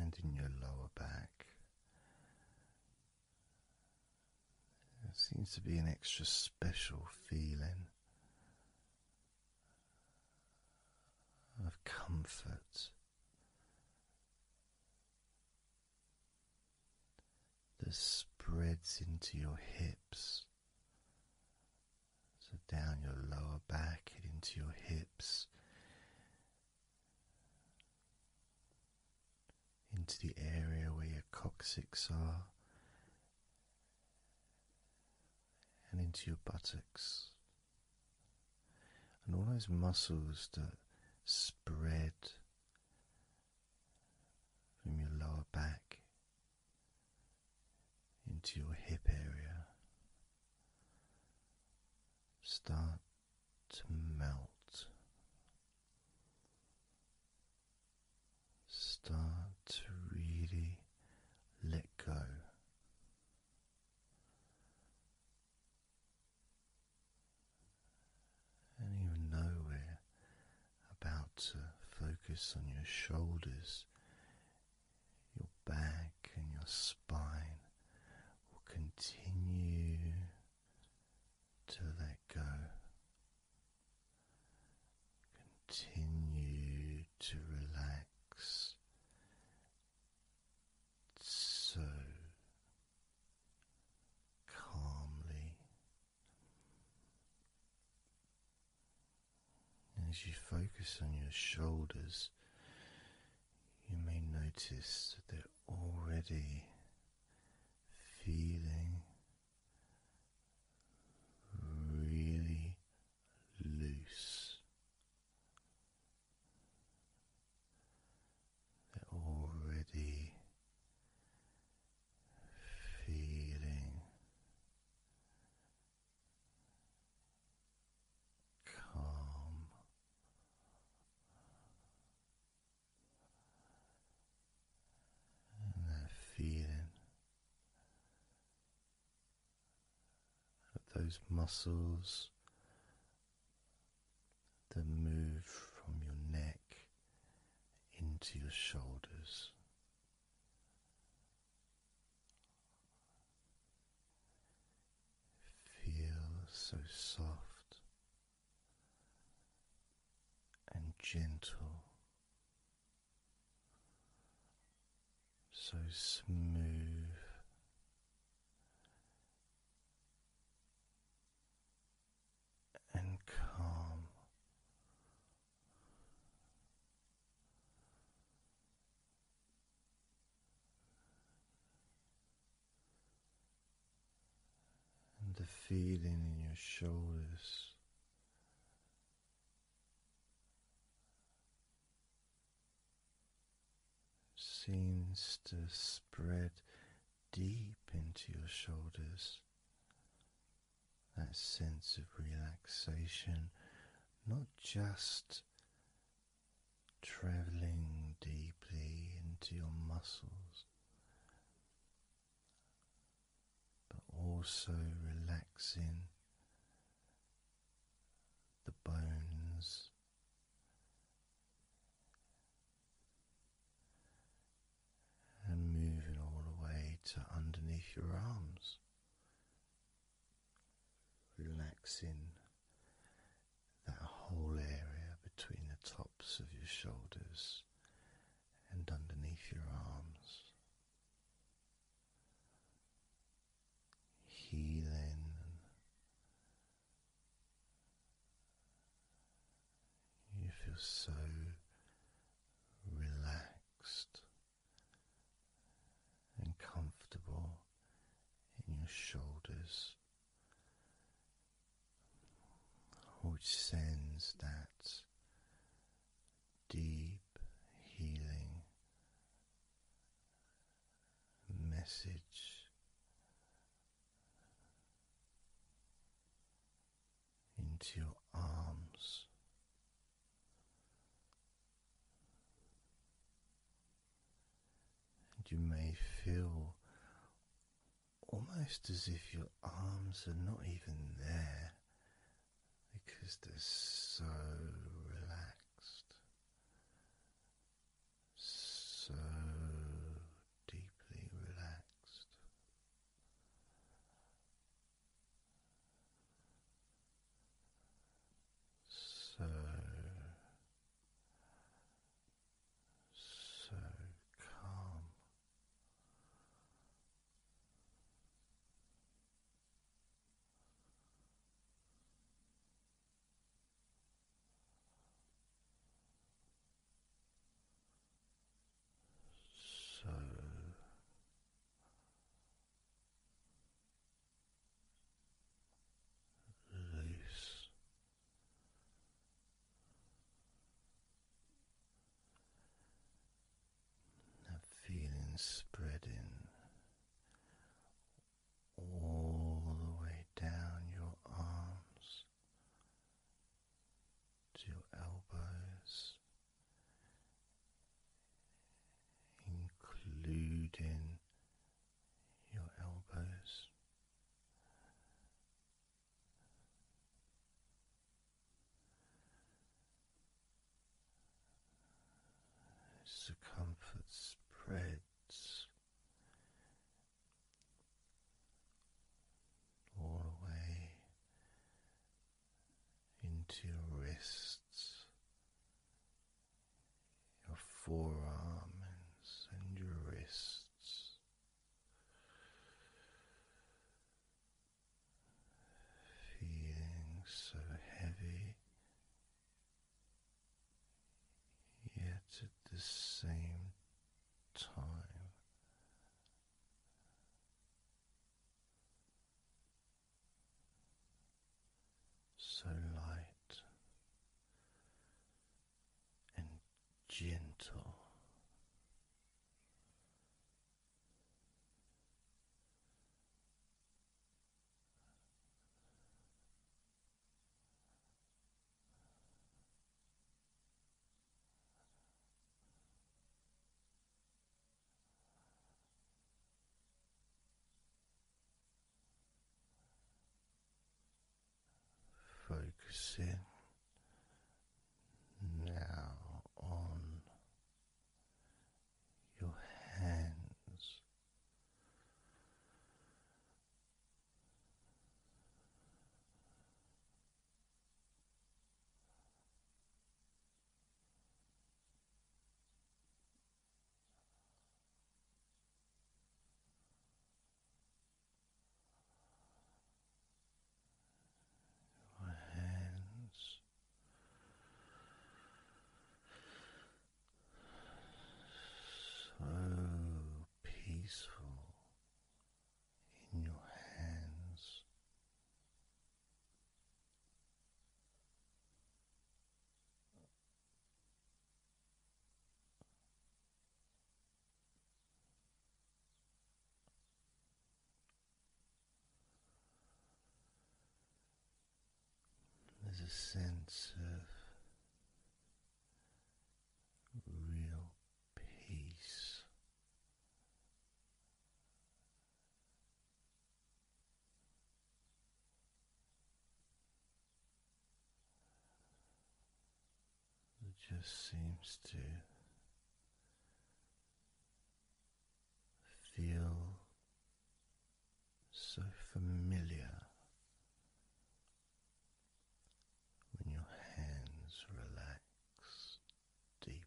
[SPEAKER 1] And in your lower back, there seems to be an extra special feeling of comfort that spreads into your hips, so down your lower back into your hips, into the area where your coccyx are, and into your buttocks. And all those muscles that spread from your lower back into your hip area. Start to melt, start to really let go and even know we're about to focus on your shoulders, your back, and your spine. Will continue to let go. Continue to relax so calmly as you focus on your shoulders, you may notice that they're already feeling really loose. They're already feeling calm. And that feeling of those muscles that move from your neck into your shoulders. Feel so soft and gentle, so smooth and calm. And the feeling in your shoulders. Seems to spread deep into your shoulders that sense of relaxation, not just traveling deeply into your muscles, but also relaxing the bones and moving all the way to underneath your arms, relaxing that whole area between the tops of your shoulders and underneath your arms. Healing you feel so relaxed and comfortable in your shoulders, which sends that deep healing message into your arms. And you may feel almost as if your arms are not even there because they're so relaxed, so deeply relaxed. So, so calm
[SPEAKER 2] so loose.
[SPEAKER 1] That feeling spreading all the way down your arms to your elbows, including your elbows. Circumference spreads all the into your wrists, your forearms, and your wrists. Feeling so heavy, yet at the same time so light and gentle. Focusing now on your hands. Your hands so peaceful in your hands. There's a sense of real peace it just seems to feel so familiar when your hands relax deeply.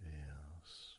[SPEAKER 1] feels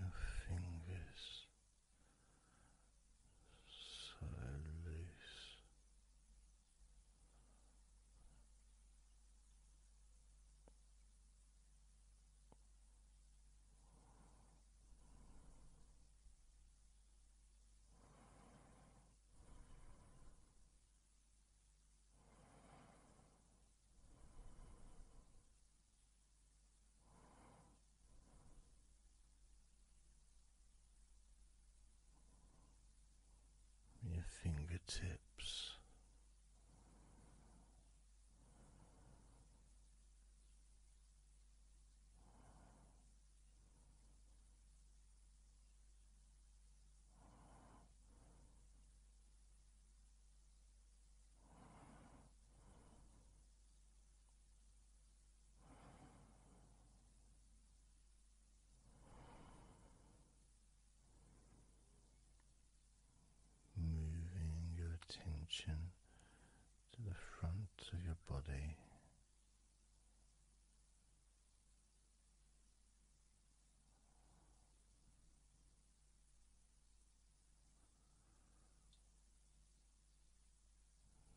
[SPEAKER 1] Your fingers so loose your fingertips. Moving your attention to the front of your body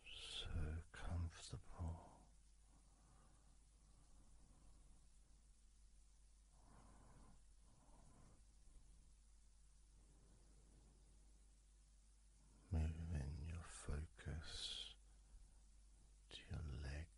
[SPEAKER 1] so comfortable moving your focus to your legs.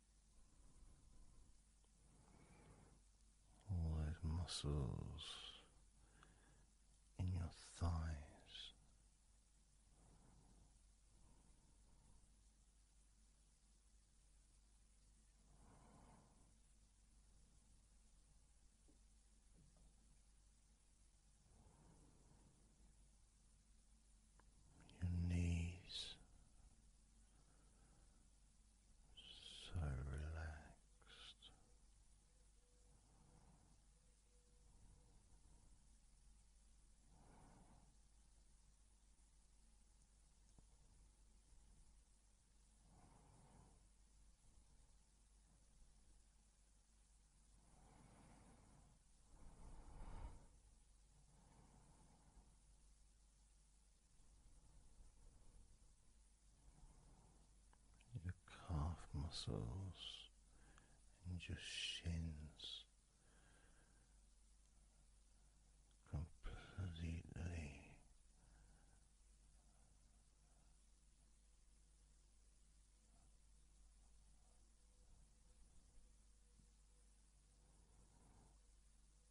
[SPEAKER 1] all those muscles in your thighs your knees so relaxed your calf muscles and your shins completely.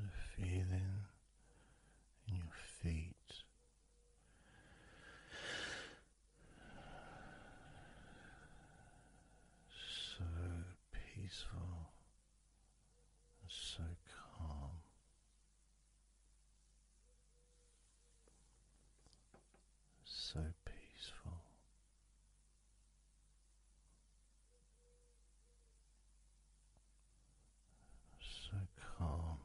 [SPEAKER 1] the feeling in your feet. So peaceful so calm. So peaceful so calm.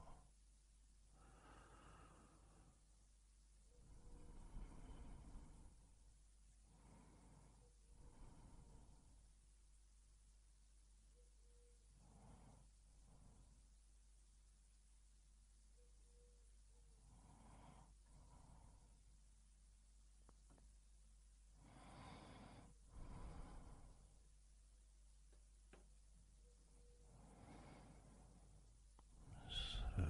[SPEAKER 1] So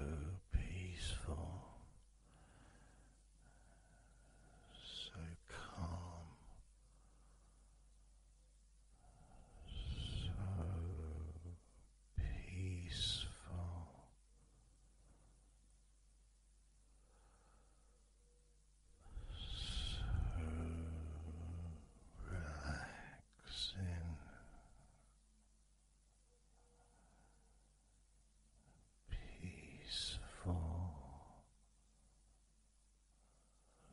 [SPEAKER 1] peaceful, so calm, so peaceful. So relaxing, peaceful,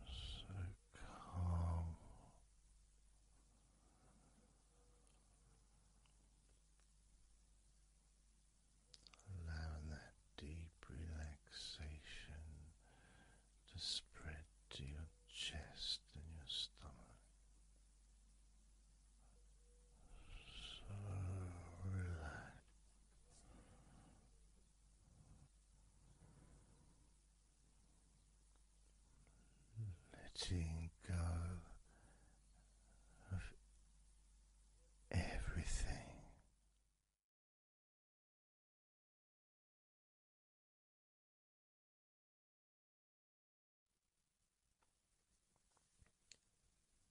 [SPEAKER 1] so calm. Allowing that deep relaxation to spread to your chest and your stomach.
[SPEAKER 2] So relaxed.
[SPEAKER 1] Letting go of everything.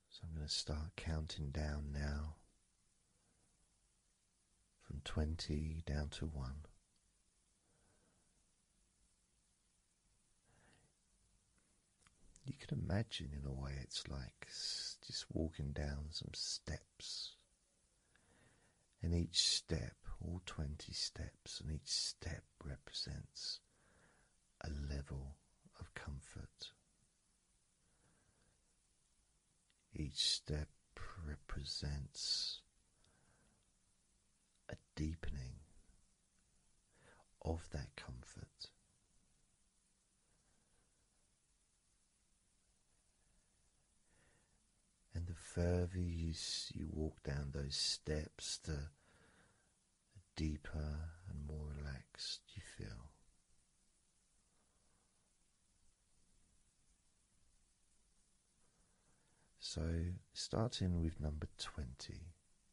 [SPEAKER 1] So I'm going to start counting down now from 20 down to 1. You can imagine, in a way, it's like just walking down some steps. And each step, all 20 steps, and each step represents a level of comfort. Each step represents a deepening of that comfort. And the further you, you walk down those steps, the deeper and more relaxed you feel. So, starting with number 20,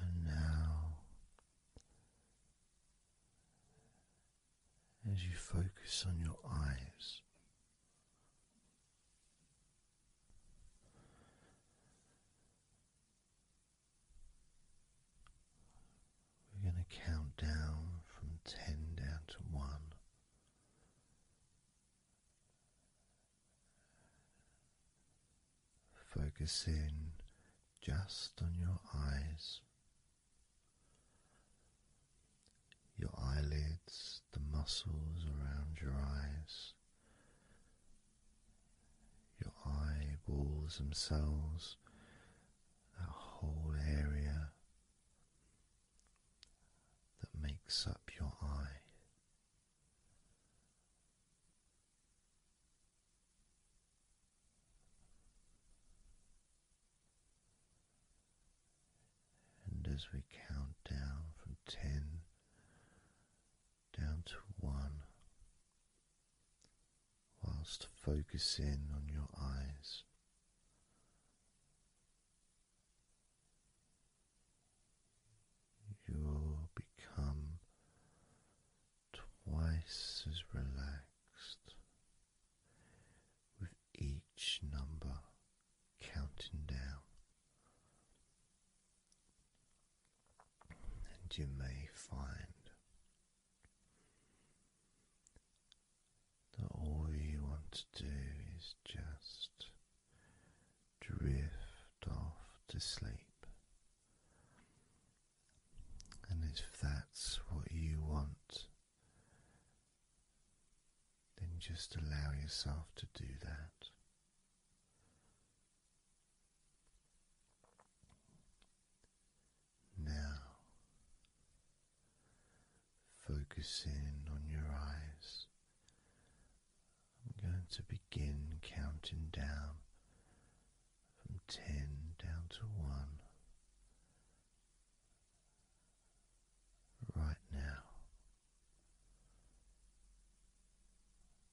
[SPEAKER 1] And now, as you focus on your eyes, we're going to count down from ten down to one. Focus in just on your eyes, your eyelids, the muscles around your eyes your eyeballs themselves, that whole area that makes up your eye. And as we count down from ten down to one, whilst focusing on your eyes. You'll become twice as relaxed with each number counting down and you may find that all you want to do is just drift off to sleep. And if that's what you want, then just allow yourself to do that. Now, focusing on your eyes, I'm going to begin counting down from ten down to one. Right now,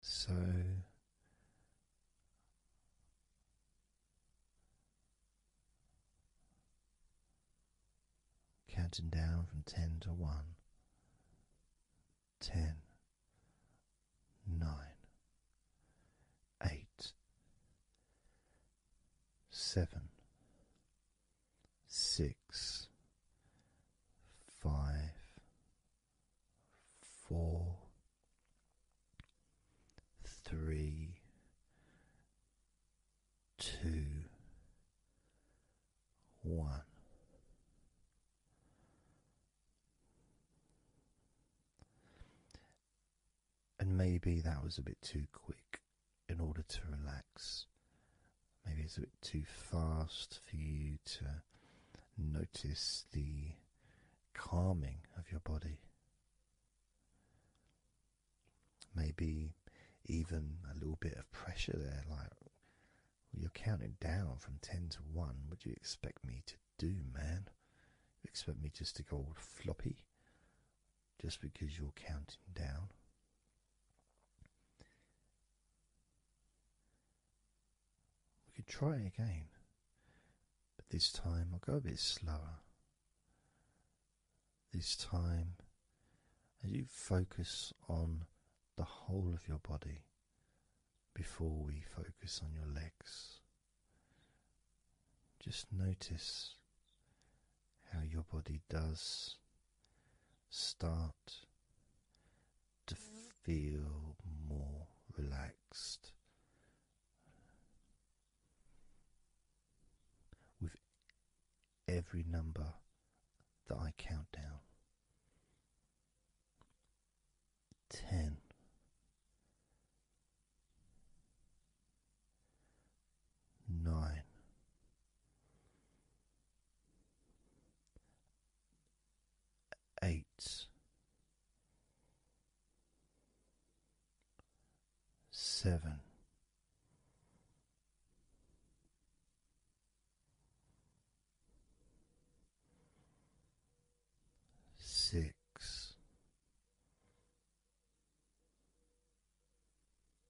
[SPEAKER 3] so
[SPEAKER 1] counting down from ten to one, ten, nine, eight, seven, six, five, four, three, two, one. And maybe that was a bit too quick in order to relax. Maybe it's a bit too fast for you to notice the calming of your body. Maybe even a little bit of pressure there, like you're counting down from 10 to 1. Would you expect me to do, man? You expect me just to go all floppy just because you're counting down? We could try it again, but this time I'll go a bit slower. This time, as you focus on the whole of your body before we focus on your legs, just notice how your body does start to feel more relaxed with every number that I count down. Ten. Eight, seven, six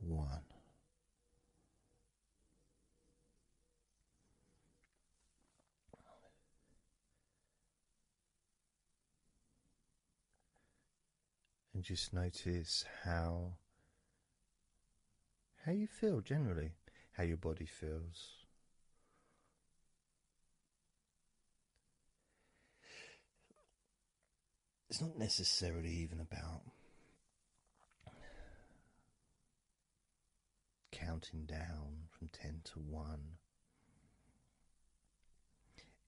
[SPEAKER 1] one. And just notice how how you feel generally, how your body feels it's not necessarily even about counting down from 10 to 1.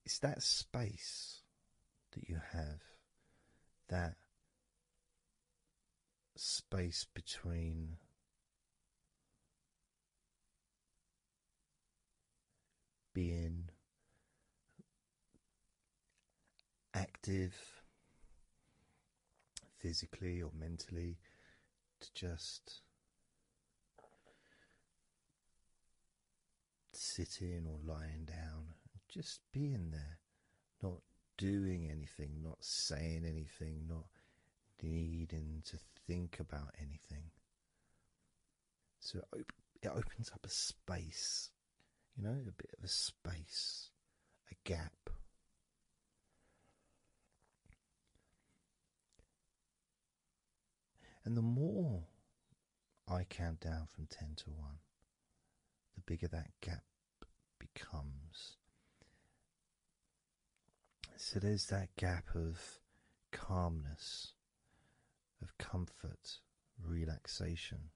[SPEAKER 1] It's that space that you have, that space between being active physically or mentally to just sitting or lying down and just being there, not doing anything, not saying anything, not needing to think about anything. So it, opens up a space, you know, a bit of a space, a gap. And the more I count down from 10 to 1, the bigger that gap becomes. So there's that gap of calmness of comfort, relaxation.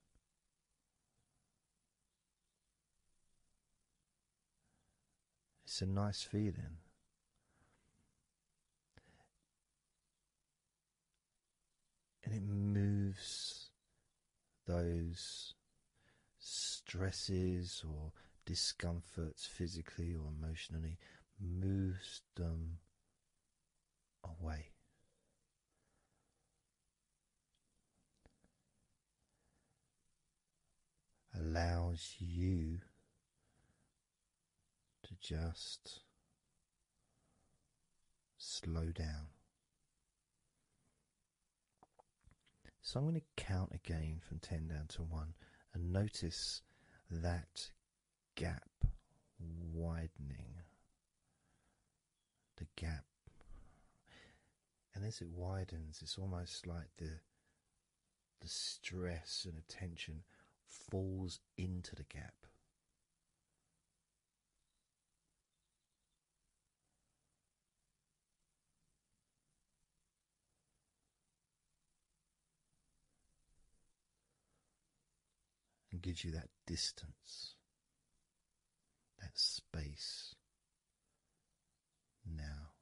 [SPEAKER 1] It's a nice feeling. And it moves those stresses or discomforts physically or emotionally, moves them away. Allows you to just slow down. So I'm going to count again from 10 down to 1 and notice that gap widening. The gap. And as it widens, it's almost like the the stress and attention falls into the gap and gives you that distance, that space now.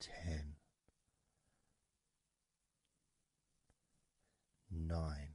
[SPEAKER 1] Ten, nine,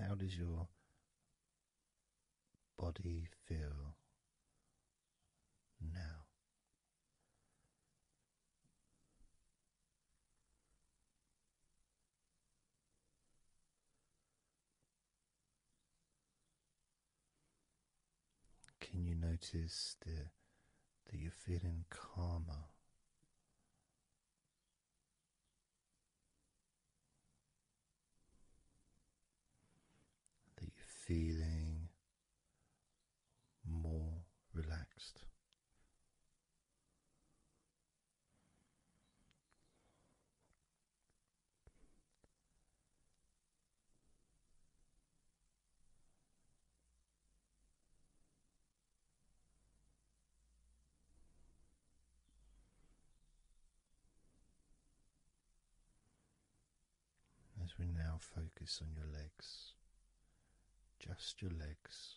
[SPEAKER 1] how does your body feel now? Can you notice the that you're feeling calmer. That you're feeling more relaxed. As we now focus on your legs, just your legs.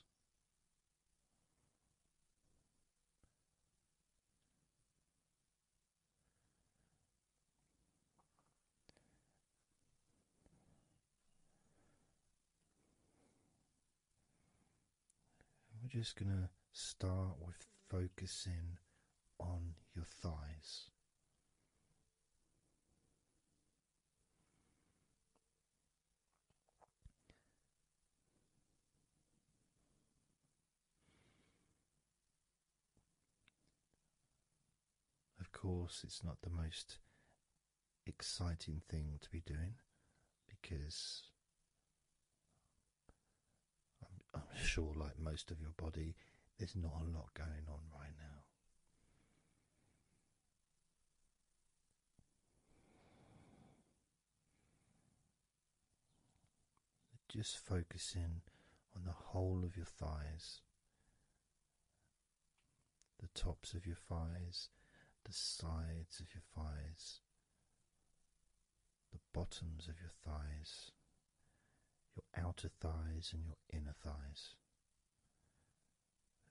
[SPEAKER 1] We're just going to start with focusing on your thighs. Of course, it's not the most exciting thing to be doing because I'm, sure, like most of your body, there's not a lot going on right now. Just focus in on the whole of your thighs the tops of your thighs, the sides of your thighs, the bottoms of your thighs, your outer thighs, and your inner thighs.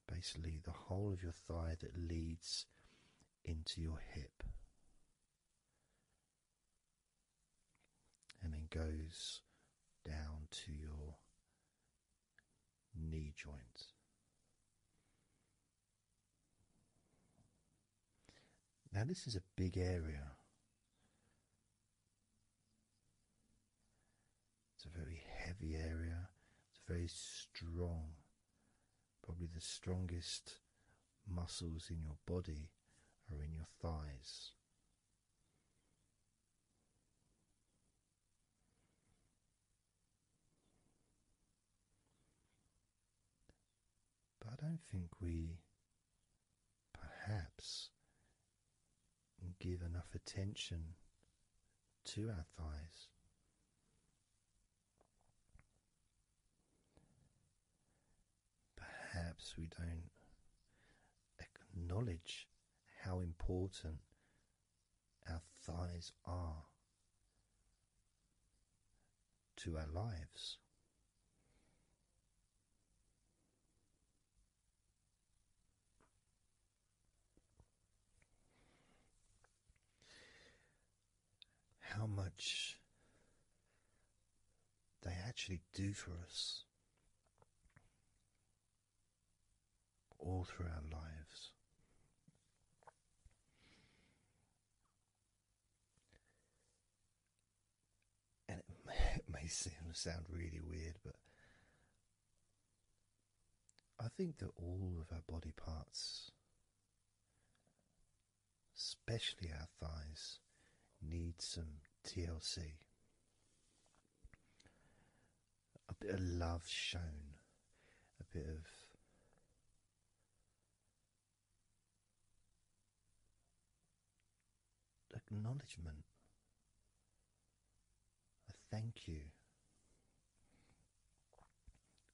[SPEAKER 1] Basically, the whole of your thigh that leads into your hip and then goes down to your knee joints. Now, this is a big area. It's a very heavy area. It's a very strong. Probably the strongest muscles in your body are in your thighs. But I don't think we perhaps give enough attention to our thighs. Perhaps we don't acknowledge how important our thighs are to our lives. How much they actually do for us all through our lives. And it may, it may sound really weird, but I think that all of our body parts, especially our thighs, need some TLC a bit of love shown, a bit of acknowledgement, a thank you,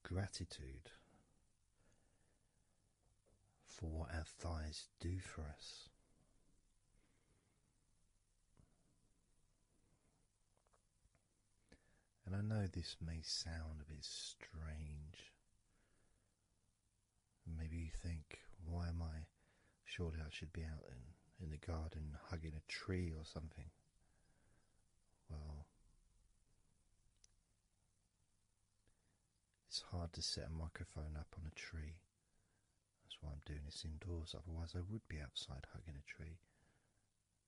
[SPEAKER 1] gratitude for what our thighs do for us. And I know this may sound a bit strange. Maybe you think, why am I? Surely I should be out in, in the garden hugging a tree or something. Well, it's hard to set a microphone up on a tree. That's why I'm doing this indoors, otherwise, I would be outside hugging a tree.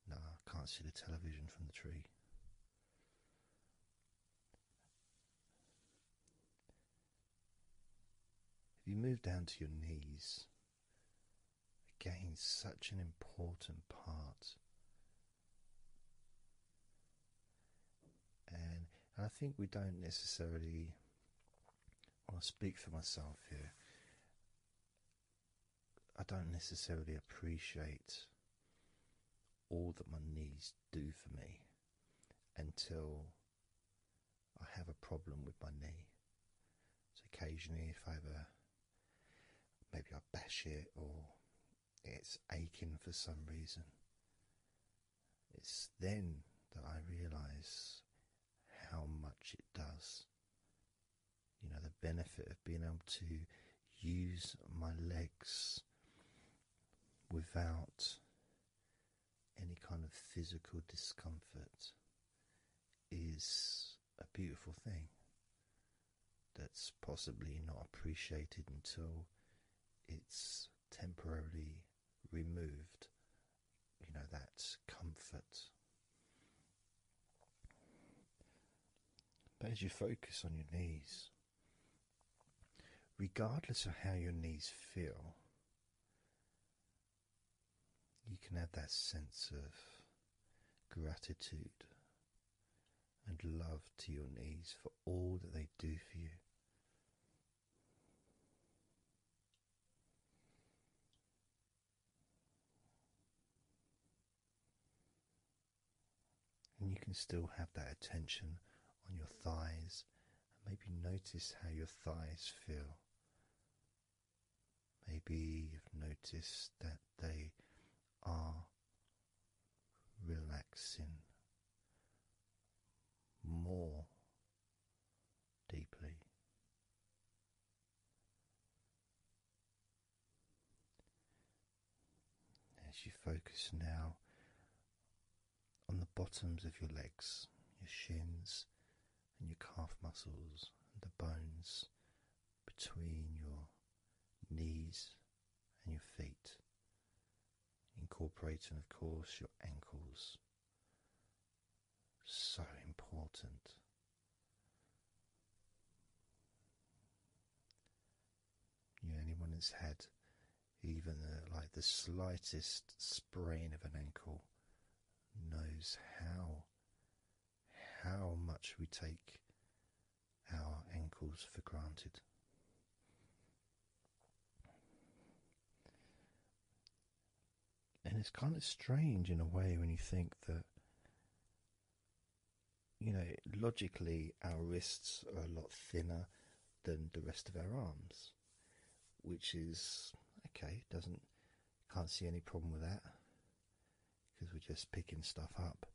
[SPEAKER 1] No, I can't see the television from the tree. If you move down to your knees, again, such an important part. And, I think we don't necessarily, well, I speak for myself here, I don't necessarily appreciate all that my knees do for me until I have a problem with my knee. So occasionally, if I have maybe I bash it or it's aching for some reason, it's then that I realise how much it does you know, the benefit of being able to use my legs without any kind of physical discomfort is a beautiful thing that's possibly not appreciated until it's temporarily removed. You know, that comfort but as you focus on your knees, regardless of how your knees feel, you can have that sense of gratitude and love to your knees for all that they do for you. And you can still have that attention on your thighs and maybe notice how your thighs feel. Maybe you've noticed that they are relaxing more deeply. As you focus now on the bottoms of your legs, your shins, and your calf muscles, and the bones between your knees and your feet, incorporating, of course, your ankles. So important you know, anyone that's had even the, like the slightest sprain of an ankle knows how how much we take our ankles for granted. And it's kind of strange in a way when you think that you know, logically, our wrists are a lot thinner than the rest of our arms, which is okay. Doesn't can't see any problem with that because we're just picking stuff up.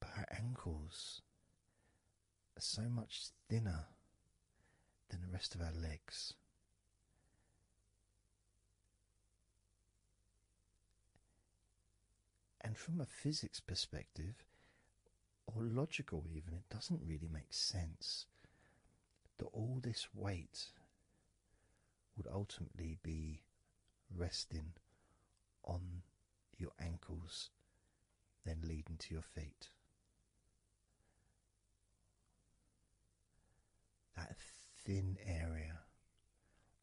[SPEAKER 1] But our ankles are so much thinner than the rest of our legs. And from a physics perspective, or logical even, it doesn't really make sense that all this weight would ultimately be resting on your ankles, then leading to your feet that thin area,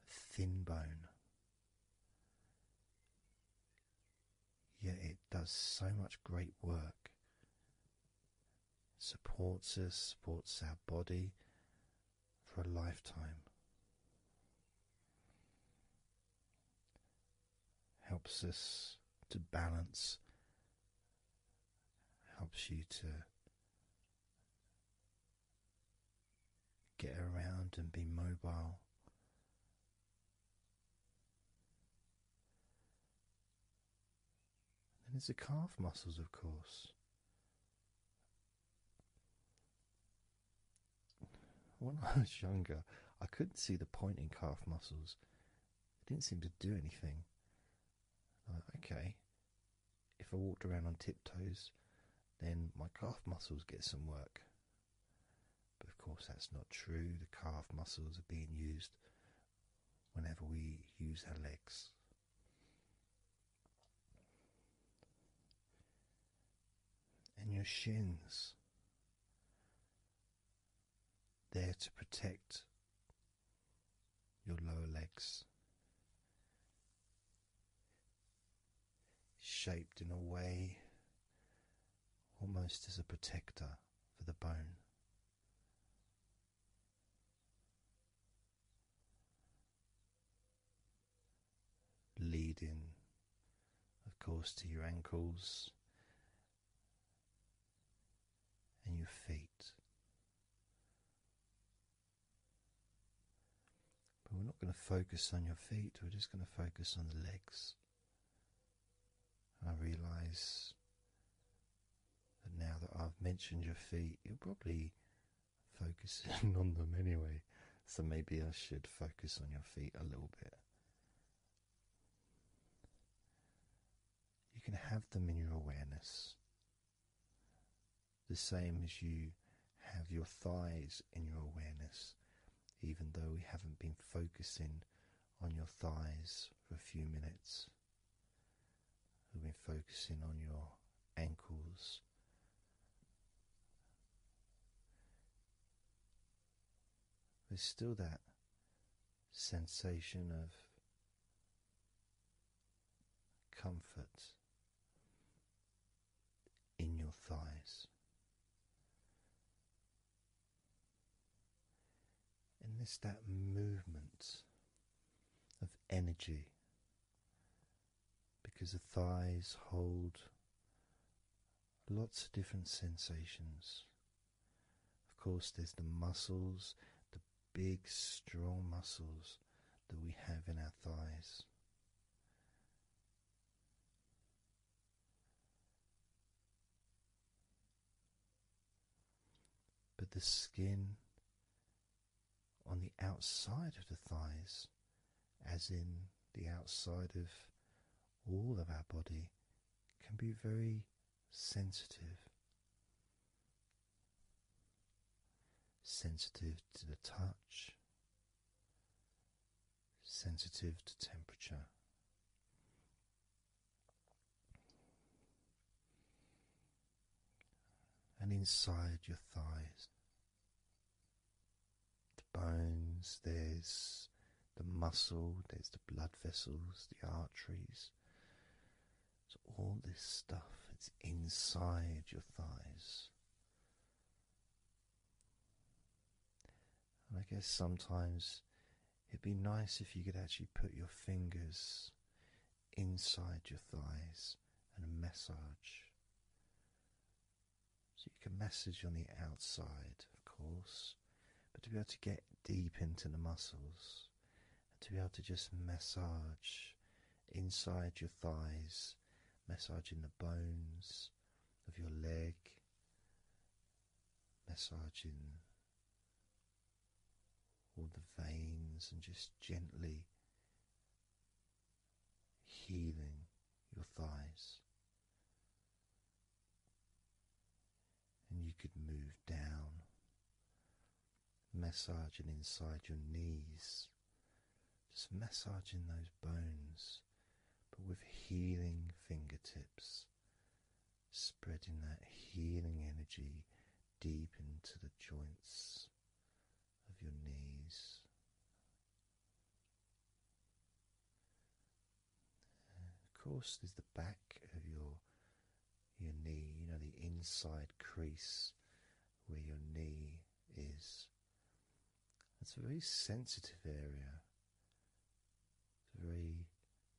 [SPEAKER 1] thin bone. Yet it does so much great work. Supports us, supports our body for a lifetime. Helps us to balance, helps you to get around and be mobile. Then it's the calf muscles, of course. When I was younger, I couldn't see the point in calf muscles. They didn't seem to do anything. okay, if I walked around on tiptoes, then my calf muscles get some work. But of course, that's not true. The calf muscles are being used whenever we use our legs. And your shins, there to protect your lower legs shaped in a way almost as a protector for the bone. Leading, of course, to your ankles and your feet, but we're not going to focus on your feet, we're just going to focus on the legs. I realize that now that I've mentioned your feet, you're probably focusing <laughs> on them anyway, so maybe I should focus on your feet a little bit. You can have them in your awareness. The same as you have your thighs in your awareness, even though we haven't been focusing on your thighs for a few minutes. We've been focusing on your ankles. There's still that sensation of comfort in your thighs. And this that movement of energy because the thighs hold lots of different sensations. Of course, there's the muscles, the big, strong muscles that we have in our thighs. But the skin on the outside of the thighs, as in the outside of all of our body, can be very sensitive. Sensitive to the touch, sensitive to temperature. And inside your thighs, the bones, there's the muscle, there's the blood vessels, the arteries. So, all this stuff, it's inside your thighs. I guess sometimes it'd be nice if you could actually put your fingers inside your thighs and massage. So you can massage on the outside, of course, but to be able to get deep into the muscles and to be able to just massage inside your thighs massaging the bones of your leg, massaging all the veins, and just gently healing your thighs. And you could move down, massaging inside your knees. Just massaging those bones, but with healing fingertips, spreading that healing energy deep into the joints of your knees. Of course, there's the back of your your knee, you know, the inside crease where your knee is. It's a very sensitive area. It's very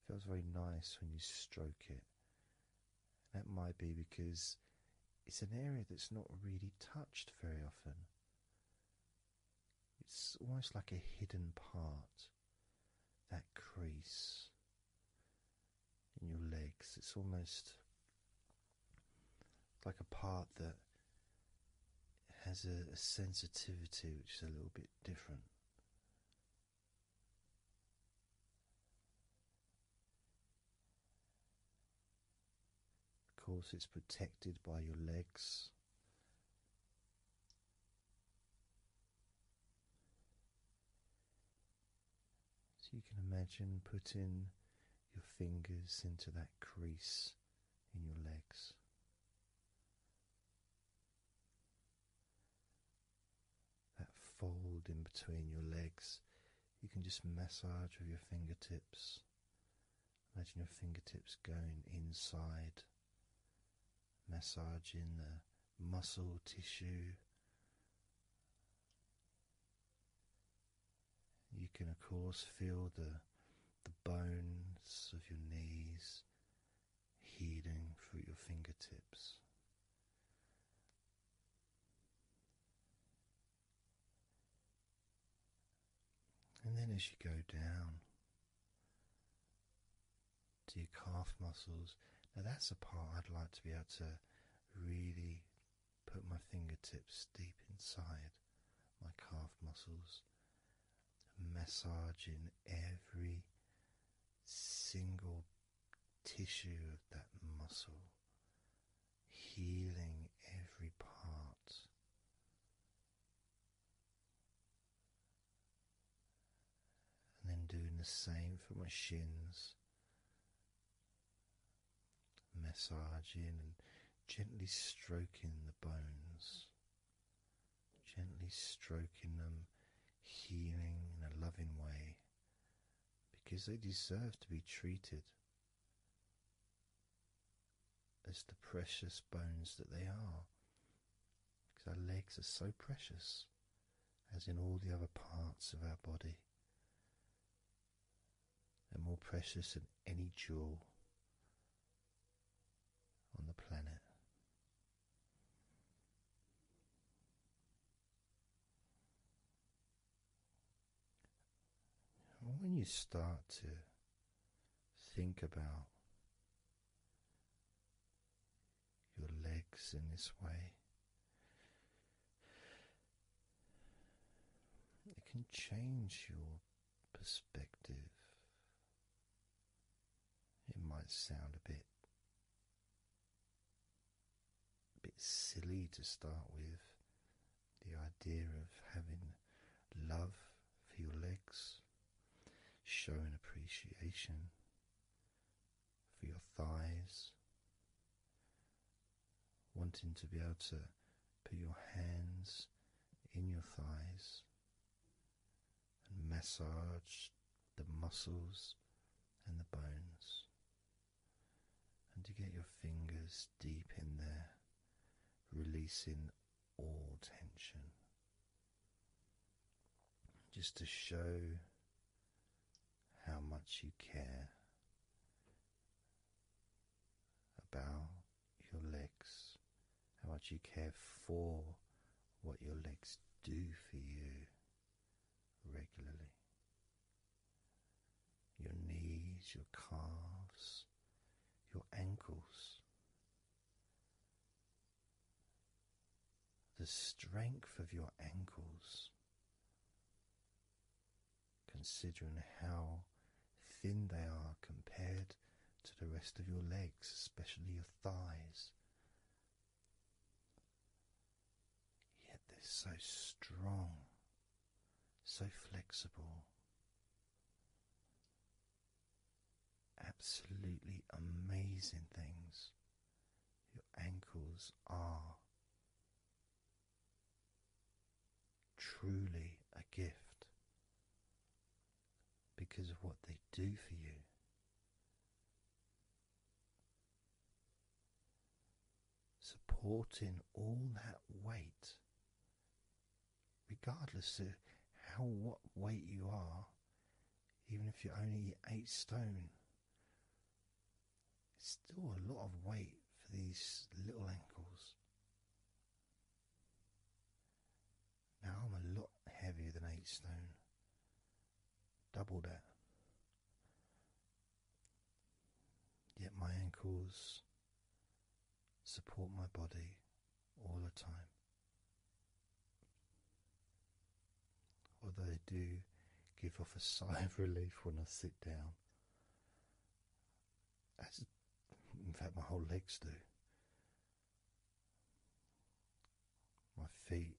[SPEAKER 1] feels very nice when you stroke it. That might be because it's an area that's not really touched very often. It's almost like a hidden part. That crease in your legs. It's almost like a part that has a sensitivity which is a little bit different. Of course, it's protected by your legs. So you can imagine putting your fingers into that crease in your legs. That fold in between your legs, you can just massage with your fingertips. Imagine your fingertips going inside, massaging the muscle tissue you can, of course, feel the, the bones of your knees healing through your fingertips. And then, as you go down to your calf muscles, now that's a part I'd like to be able to really Put my fingertips deep inside my calf muscles, massaging every single tissue of that muscle, healing every part. And then doing the same for my shins, massaging and gently stroking the bones, gently stroking them, healing in a loving way because they deserve to be treated as the precious bones that they are. Because our legs are so precious, as in all the other parts of our body and more precious than any jewel on the planet. When you start to think about your legs in this way, it can change your perspective. It might sound a bit bit silly to start with the idea of having love for your legs, showing appreciation for your thighs, wanting to be able to put your hands in your thighs and massage the muscles and the bones, and to get your fingers deep in there, releasing all tension. Just to show how much you care about your legs, how much you care for what your legs do for you regularly. Your knees, your calves, your ankles. The strength of your ankles considering how thin they are compared to the rest of your legs, especially your thighs. Yet they're so strong, so flexible. Absolutely amazing things your ankles are truly a gift because of what they do for you. Supporting all that weight, regardless of how what weight you are, even if you're only eight stone, it's still a lot of weight for these little ankles. Now I'm a lot heavier than eight stone, double that. Yet my ankles support my body all the time. Although they do give off a <laughs> sigh of relief when I sit down, as in fact, my whole legs do. My feet,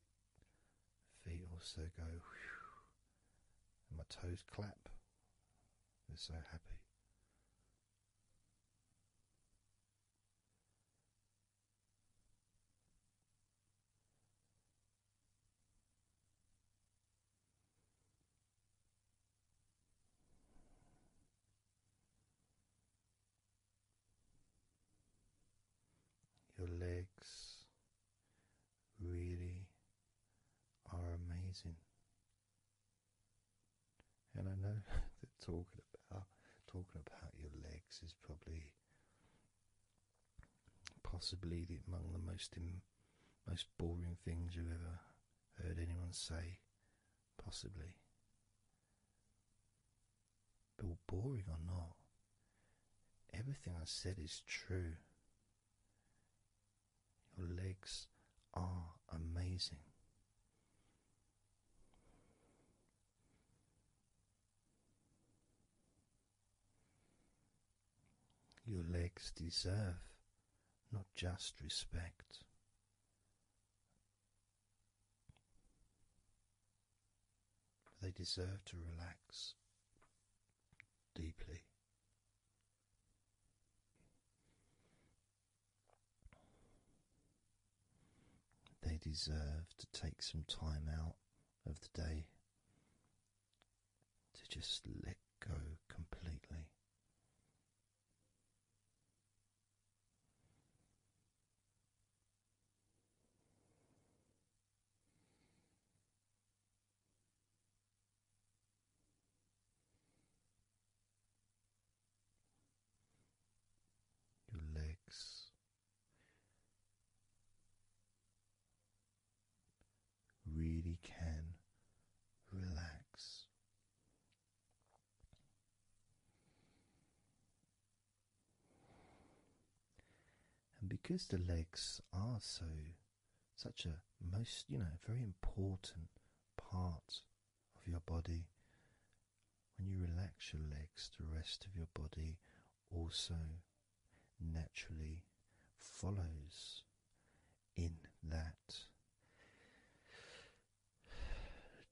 [SPEAKER 1] feet also go, and my toes clap. They're so happy. Your legs really are amazing. And I know <laughs> that talking about talking about your legs is probably possibly among the most most boring things you've ever heard anyone say possibly. But boring or not, everything I said is true. Your legs are amazing. Your legs deserve not just respect, they deserve to relax deeply. They deserve to take some time out of the day to just let go completely your legs really can relax. And because the legs are so such a most you know very important part of your body, when you relax your legs, the rest of your body also naturally follows in that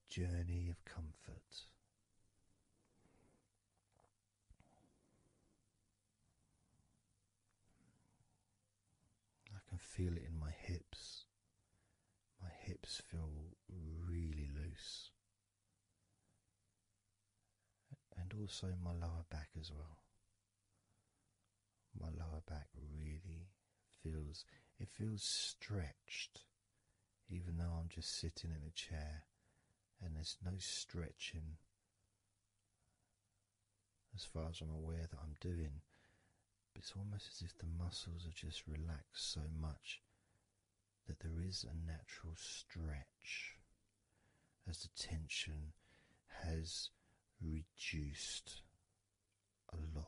[SPEAKER 1] journey of comfort. I can feel it in my hips. My hips feel really loose. And also my lower back as well. My lower back really feels it feels stretched, even though I'm just sitting in a chair and there's no stretching as far as I'm aware that I'm doing. But it's almost as if the muscles are just relaxed so much that there is a natural stretch as the tension has reduced a lot.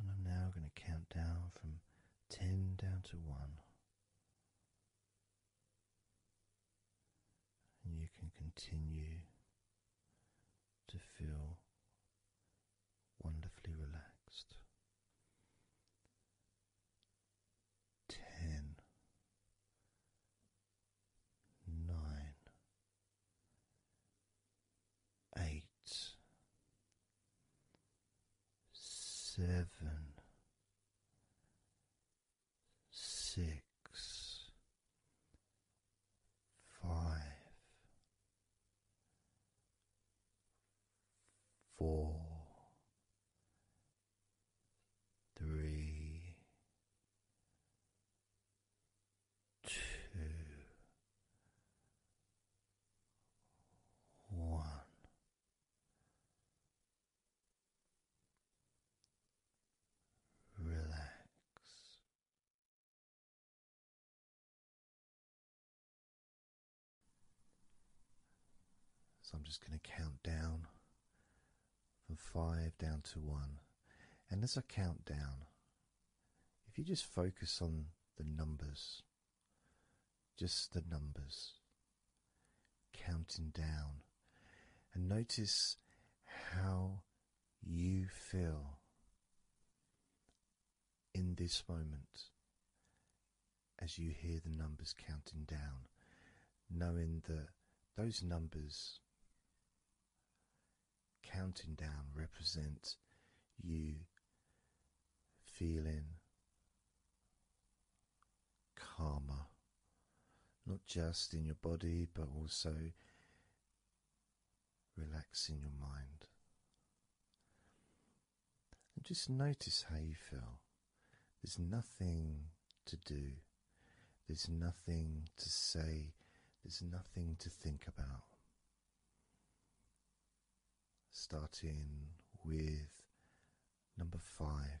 [SPEAKER 1] And I'm now going to count down from ten down to one and you can continue to feel wonderfully relaxed. Ten, nine, eight, seven, six five, four, three, two, one. Relax. So I'm just going to count down from five down to one. And as I count down, if you just focus on the numbers, just the numbers, counting down, and notice how you feel in this moment as you hear the numbers counting down, knowing that those numbers counting down represent you feeling calmer, not just in your body but also relaxing your mind. And just notice how you feel. There's nothing to do, there's nothing to say, there's nothing to think about. Starting with number five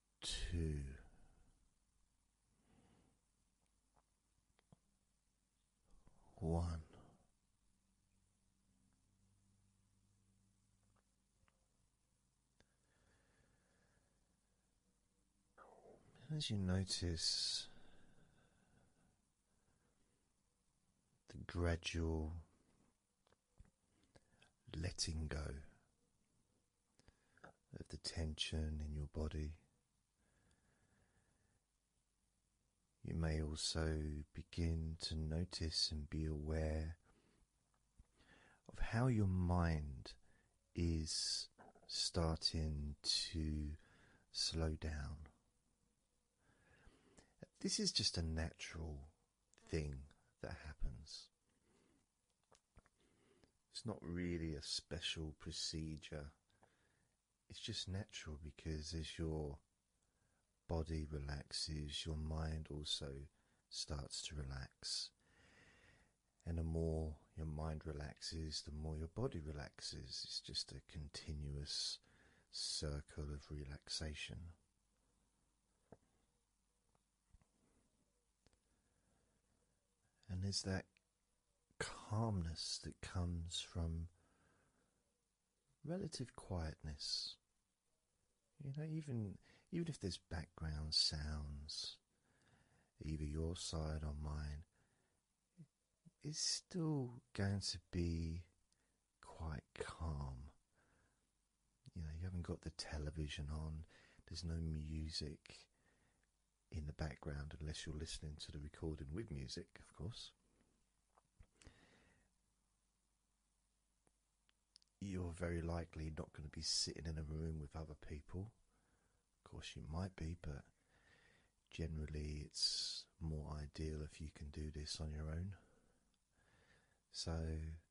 [SPEAKER 1] two. One, as you notice the gradual letting go of the tension in your body. You may also begin to notice and be aware of how your mind is starting to slow down. This is just a natural thing that happens. It's not really a special procedure, it's just natural because as your body relaxes, your mind also starts to relax. And the more your mind relaxes, the more your body relaxes. It's just a continuous circle of relaxation. And there's that calmness that comes from relative quietness. You know, even even if there's background sounds, either your side or mine, it's still going to be quite calm. You know, you haven't got the television on, there's no music, in the background unless you're listening to the recording with music, of course. You're very likely not going to be sitting in a room with other people. Of course, you might be, but generally, it's more ideal if you can do this on your own. So,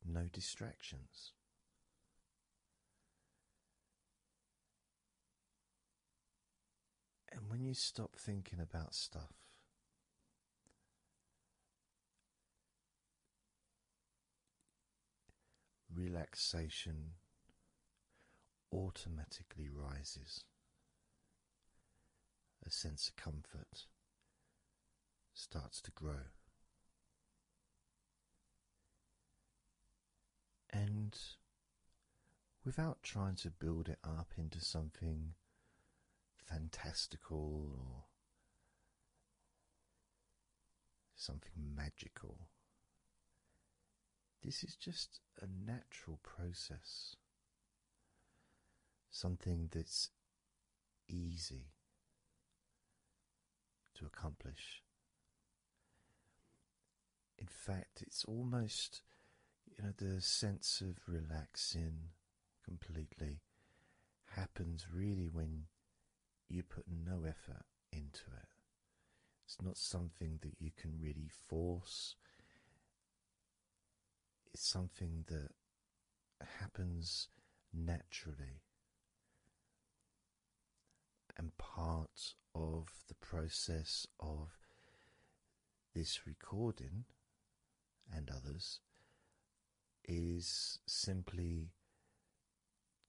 [SPEAKER 1] no distractions. And when you stop thinking about stuff, relaxation automatically rises, a sense of comfort starts to grow. And without trying to build it up into something fantastical or something magical, this is just a natural process, something that's easy to accomplish in fact, it's almost, you know, the sense of relaxing completely happens really when you put no effort into it. It's not something that you can really force. It's something that happens naturally and part of the process of this recording and others is simply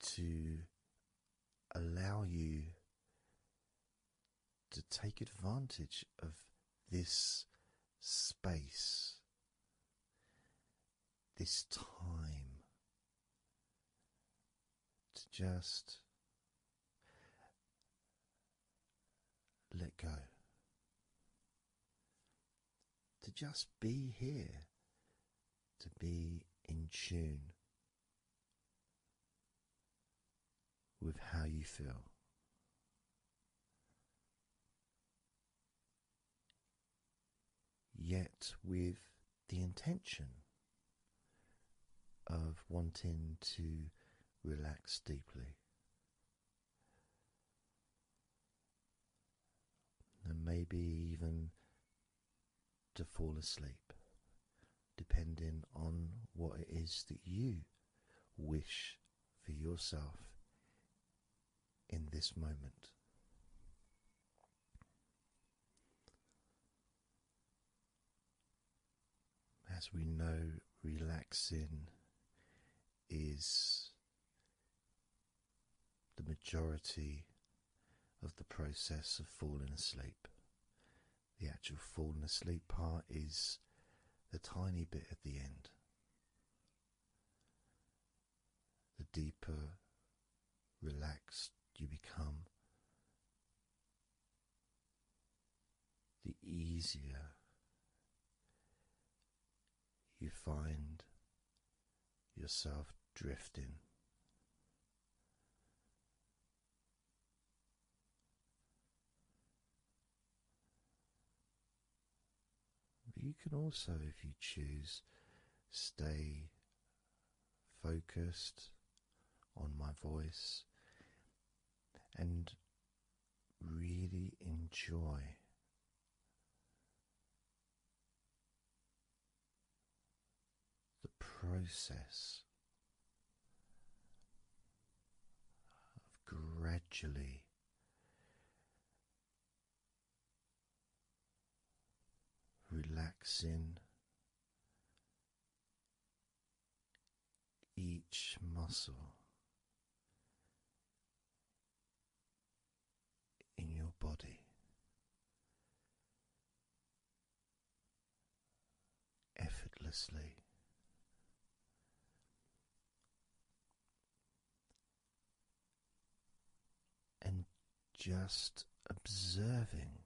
[SPEAKER 1] to allow you to take advantage of this space, this time, to just let go, to just be here, to be in tune with how you feel. Yet, with the intention of wanting to relax deeply. And maybe even to fall asleep, depending on what it is that you wish for yourself in this moment. As we know, relaxing is the majority of the process of falling asleep. The actual falling asleep part is the tiny bit at the end. The deeper relaxed you become, the easier you find yourself drifting. But you can also, if you choose, stay focused on my voice and really enjoy the process of gradually. Relaxing each muscle in your body. Effortlessly, and just observing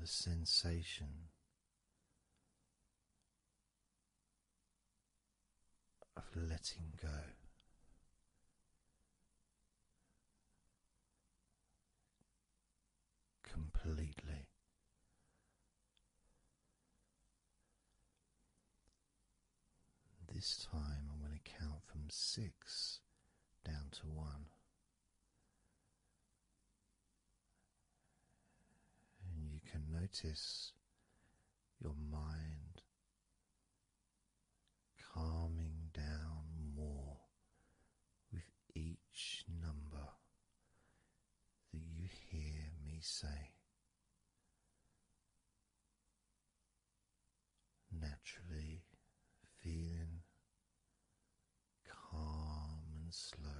[SPEAKER 1] the sensation of letting go. Completely. This time I'm going to count from six down to one. And you can notice your mind calming down more with each number that you hear me say naturally feeling calm and slow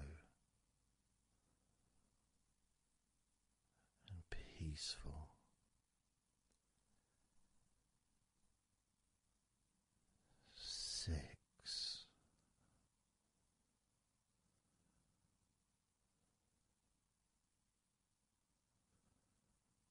[SPEAKER 1] and peaceful. Six.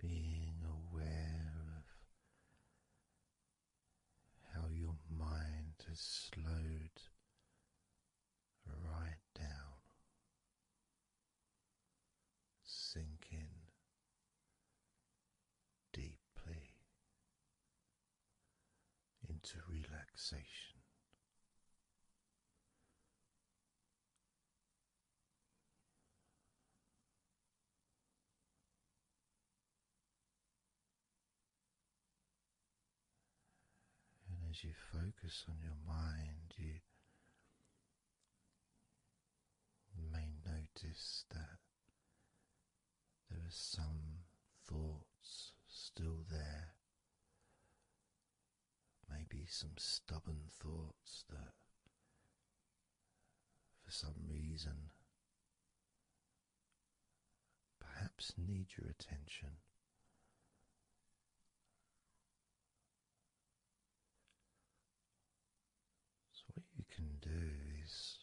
[SPEAKER 1] being aware of how your mind has slowed right down, sinking deeply into relaxation. And as you focus on your mind, you may notice that there are some thoughts still there maybe some stubborn thoughts that for some reason perhaps need your attention. So, what you can do is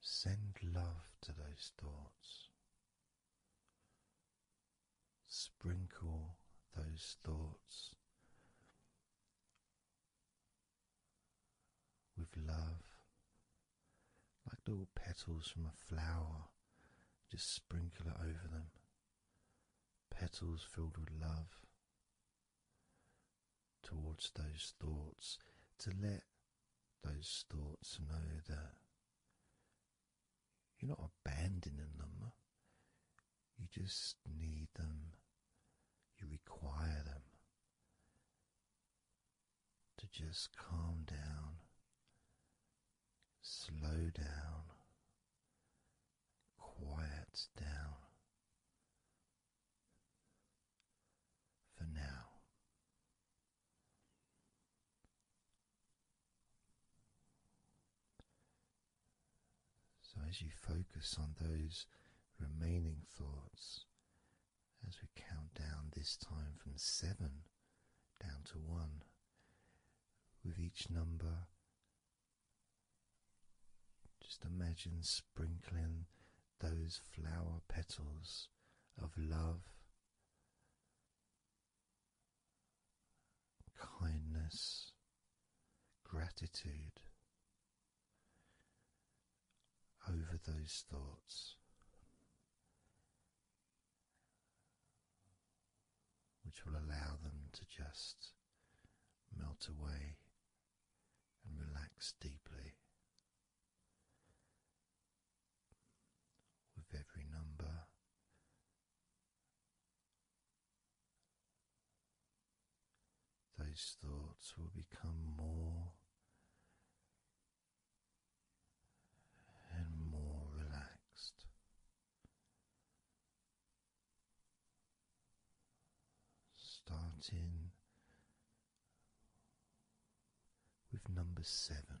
[SPEAKER 1] send love to those thoughts. Sprinkle those thoughts with love, like little petals from a flower, just sprinkle it over them. Petals filled with love towards those thoughts to let those thoughts know that you're not abandoning them, you just need them, you require them to just calm down, slow down, quiet down. For now, so, as you focus on those remaining thoughts, as we count down this time from seven down to one, with each number, just imagine sprinkling those flower petals of love kindness, gratitude over those thoughts. Which will allow them to just melt away and relax deeply with every number those thoughts will become more and more relaxed. Starting with number seven,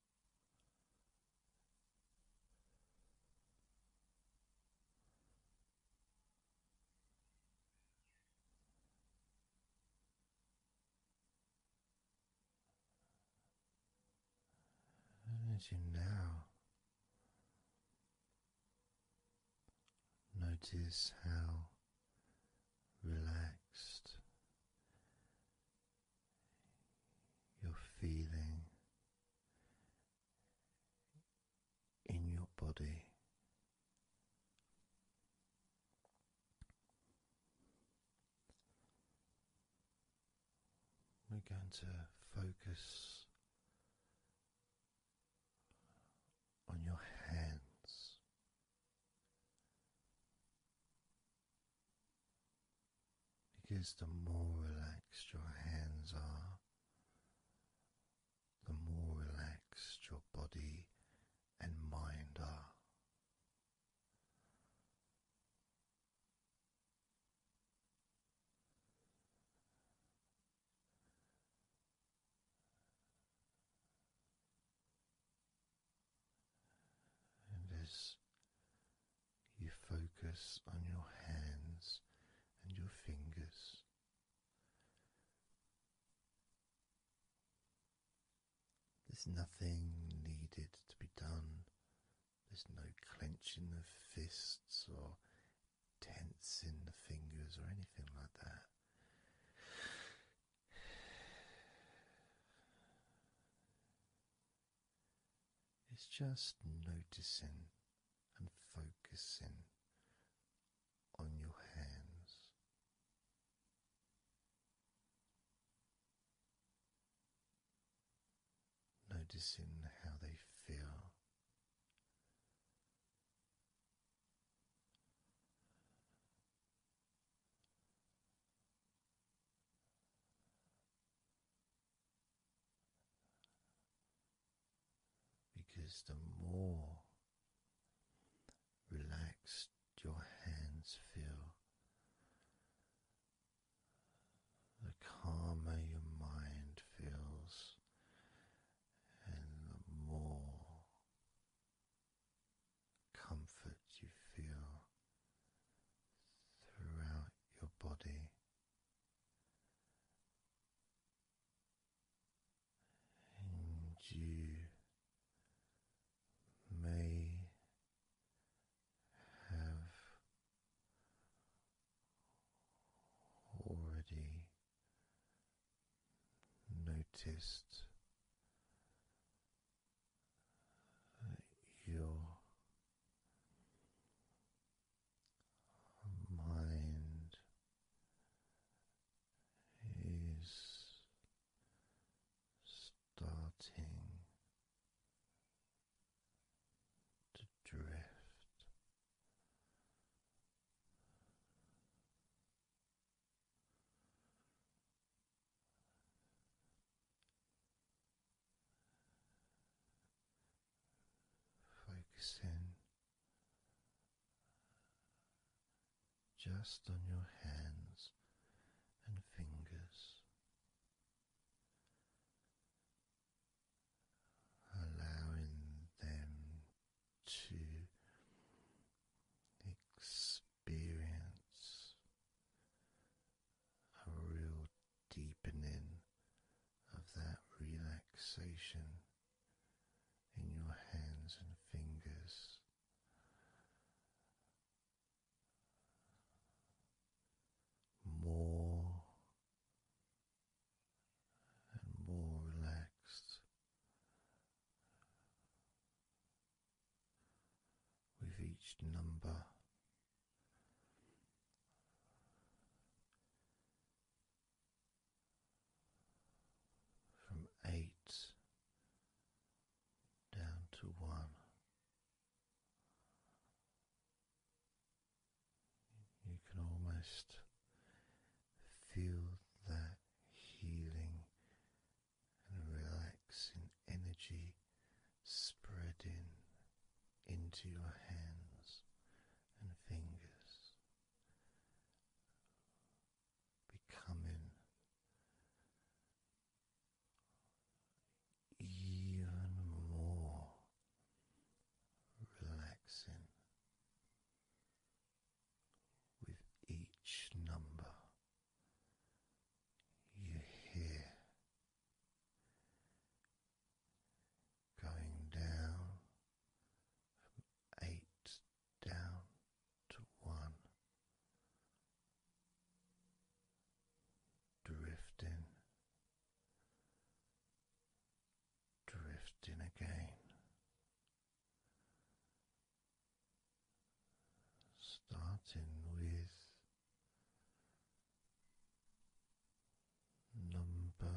[SPEAKER 1] as you now notice how relaxed you feeling in your body. We're going to focus on your hands because the more relaxed your hands are, the more relaxed your body and mind are. And as you focus on your hands and your fingers. There's nothing needed to be done. There's no clenching of fists or tensing the fingers or anything like that. It's just noticing and focusing on your hands. Noticing how they feel, because the more relaxed your hands feel, the calmer your mind feels, and the more comfort you feel throughout your body. And you may have already noticed that your mind is starting to drift. Focusing just on your hands and fingers, allowing them to experience a real deepening of that relaxation in your hands and fingers. More and more relaxed with each number from eight down to one. You can almost feel that healing and relaxing energy spreading into your hands and fingers, becoming even more relaxing with each number. You hear going down from eight down to one, drifting, drifting again. Starting with number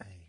[SPEAKER 1] eight.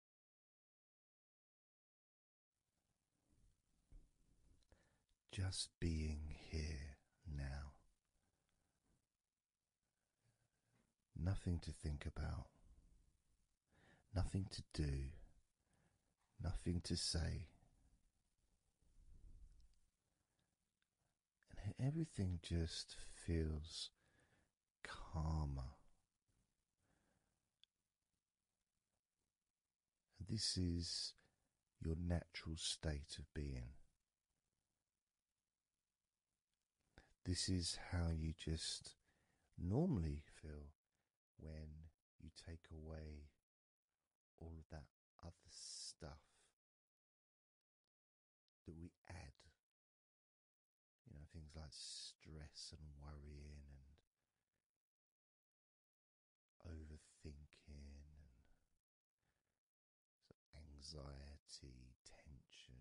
[SPEAKER 1] Just being here now. Nothing to think about, nothing to do, nothing to say. And everything just feels calmer this is your natural state of being. This is how you just normally feel when you take away all of that other stuff that we add. You know, things like stress and worrying and overthinking anxiety, tension,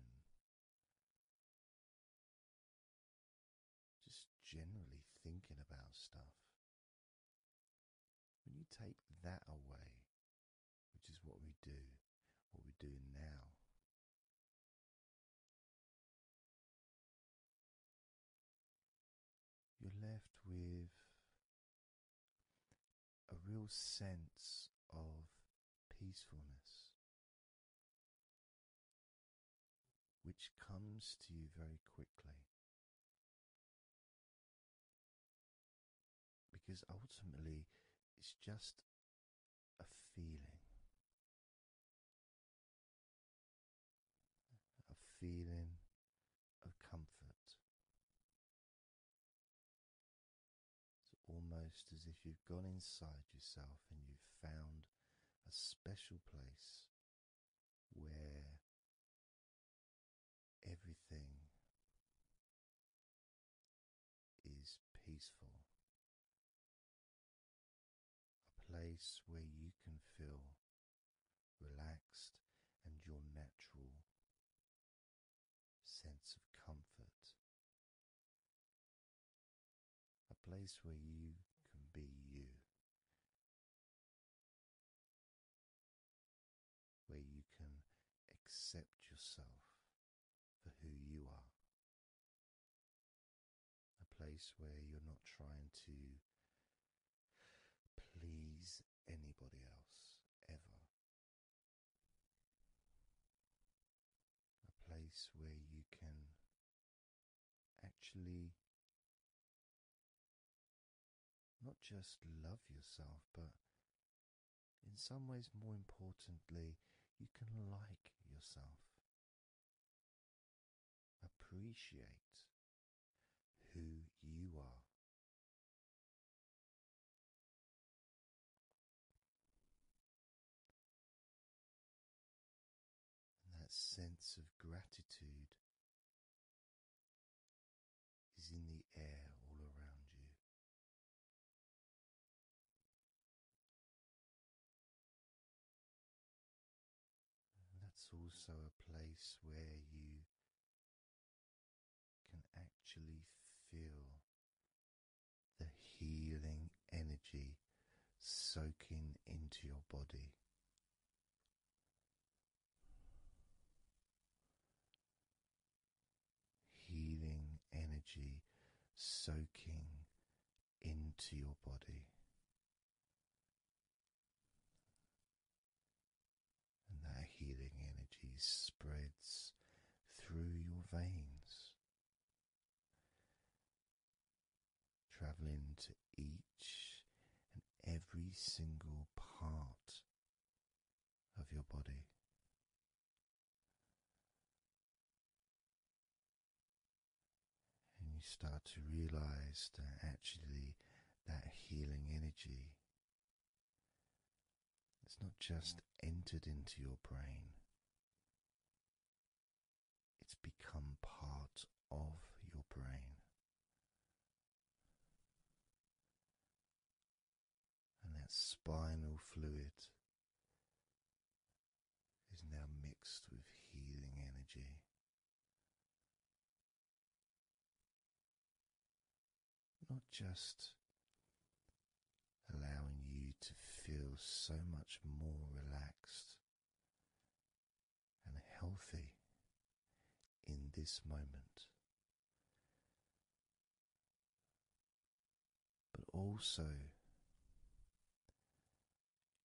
[SPEAKER 3] just generally thinking about stuff. When you take that away, which is what we do, what we're doing now, you're left with a real sense of peacefulness, which comes to you very quickly. Because ultimately, it's just a feeling, a feeling
[SPEAKER 1] of comfort. It's almost as if you've gone inside yourself and you've found a special place where everything
[SPEAKER 3] is peaceful
[SPEAKER 1] a place where you can feel relaxed and your natural sense of comfort, a place where you
[SPEAKER 3] can be you.
[SPEAKER 1] Where you can accept yourself for who you are, a place where you're not trying to please anybody else ever, a place where you can actually not just love yourself, but in some ways, more importantly, you can like yourself.
[SPEAKER 3] Appreciate who you are. that sense of gratitude is in the air all around you.
[SPEAKER 1] That's also a place where you can actually feel the healing energy soaking into your body. Healing energy soaking into your body, and that healing energy spreads through your veins, traveling to each and every single part of your body and you start to realize that actually that healing energy it's not just entered into your brain, it's become part of your brain. And that spinal fluid is now mixed with healing energy. Not just allowing you to feel so much more relaxed and healthy in this moment, but also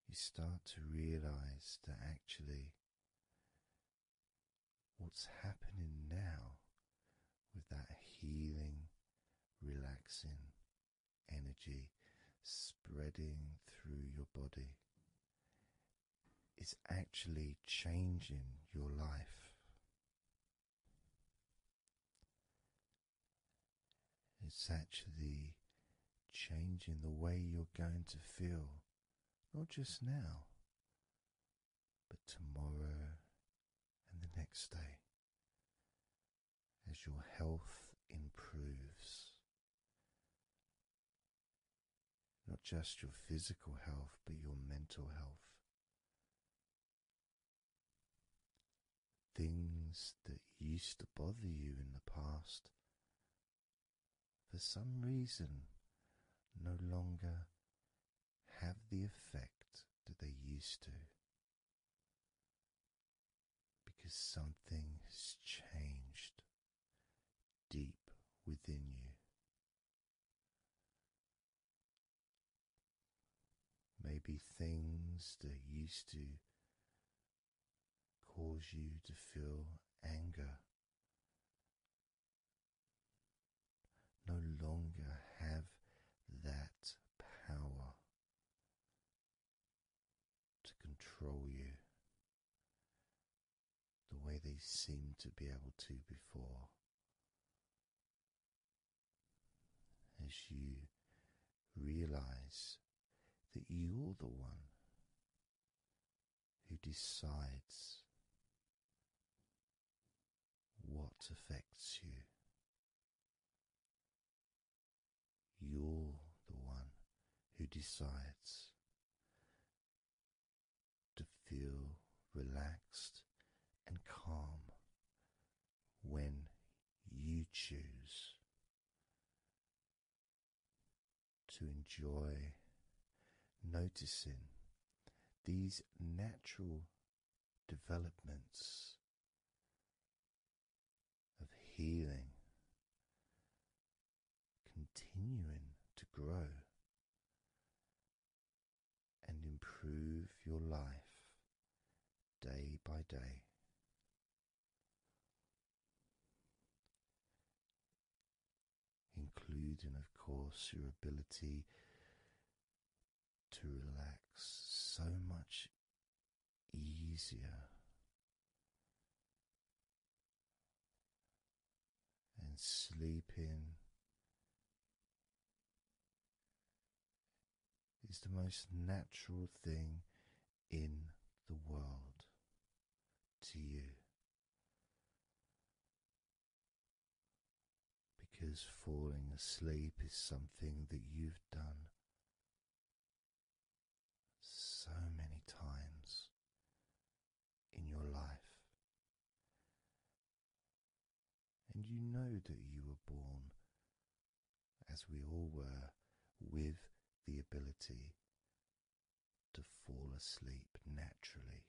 [SPEAKER 1] you start to realize that actually what's happening now with that healing, relaxing energy spreading through your body is actually changing your life. It's actually changing the way you're going to feel not just now, but tomorrow and the next day, as your health improves. Not just your physical health, but your mental health. Things that used to bother you in the past for some reason no longer have the effect that they used to because something has changed deep within you. Maybe things that used to cause you to feel anger no longer have that power to control you the way they seemed to be able to before. As you realize that you're the one who decides what affects you. You're the one who decides to feel relaxed and calm when you choose to enjoy noticing these natural developments of healing continuing to grow and improve your life day by day including, of course, your ability to relax so much easier and sleeping. Is the most natural thing in the world to you. Because falling asleep is something that you've done so many times in your life, and you know that you were born, as we all were, with the ability to fall asleep naturally.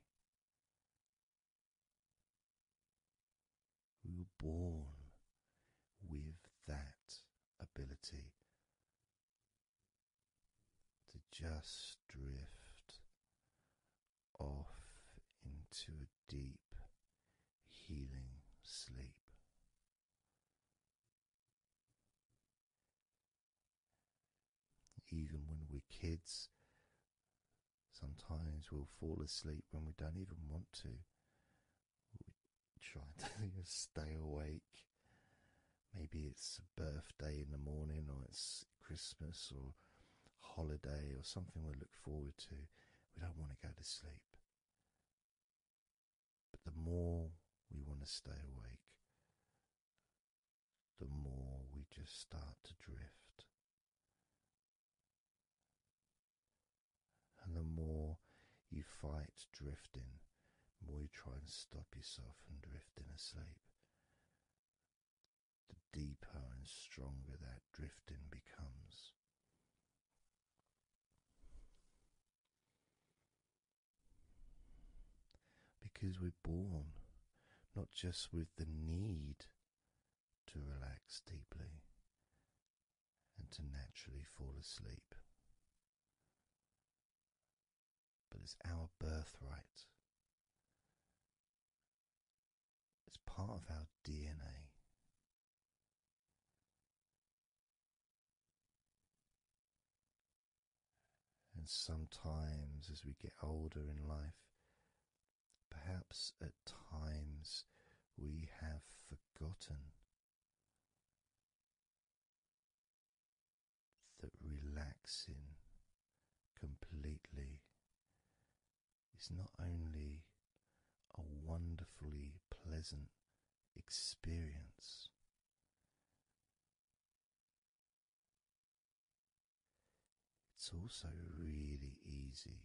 [SPEAKER 1] We were born with that ability to just drift off into a deep, healing sleep. Even when we're kids, sometimes we'll fall asleep when we don't even want to. We try to <laughs> stay awake. Maybe it's a birthday in the morning, or it's Christmas, or holiday, or something we look forward to. We don't want to go to sleep. But the more we want to stay awake, the more we just start to drift. And the more you fight drifting, the more you try and stop yourself from drifting asleep, the deeper and stronger that drifting becomes. Because we're born not just with the need to relax deeply and to naturally fall asleep, but it's our birthright. It's part of our DNA. And sometimes, as we get older in life, perhaps at times we have forgotten that relaxing completely is not only a wonderfully pleasant experience. It's also really easy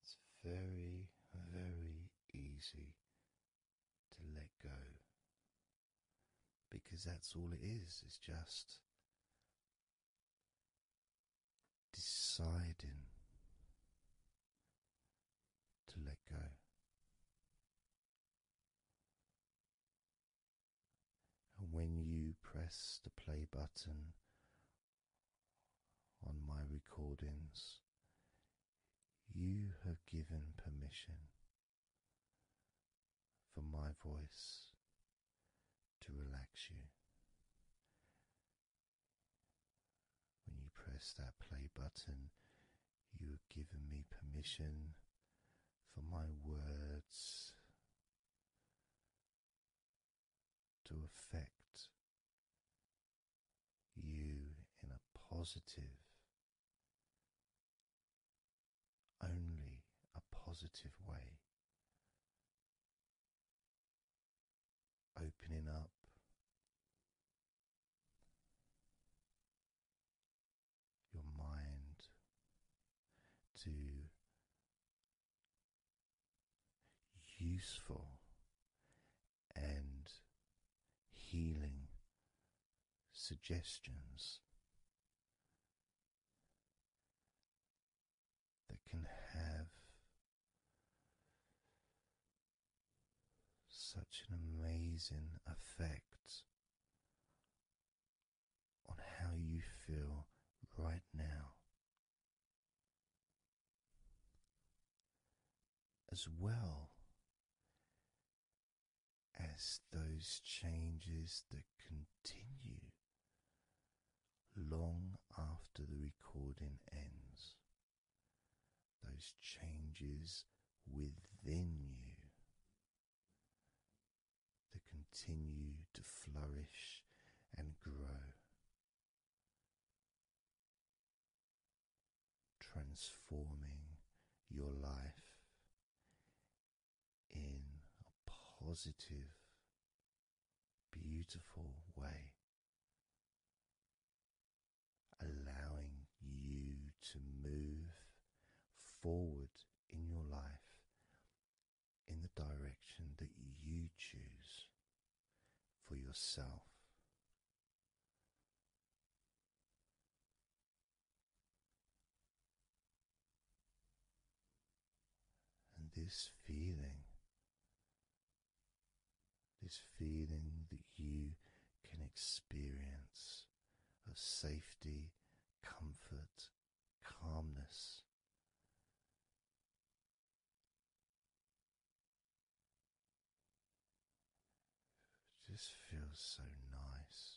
[SPEAKER 1] it's very, very easy to let go because that's all it is, it's just deciding to let go. And when you press the play button on my recordings, you have given permission for my voice to relax you. When you press that play button, you are giving me permission for my words to affect you in a positive, only a positive way opening up. Your mind to useful and healing suggestions that can have such an amazing effect on how you feel right now, as well as those changes that continue long after the recording ends. Those changes within you that continue to flourish and grow, transforming your life in a positive beautiful way, allowing you to move forward in your life in the direction that you choose for yourself. And this feeling, this feeling that you can experience of safety, comfort, calmness. just feels so nice.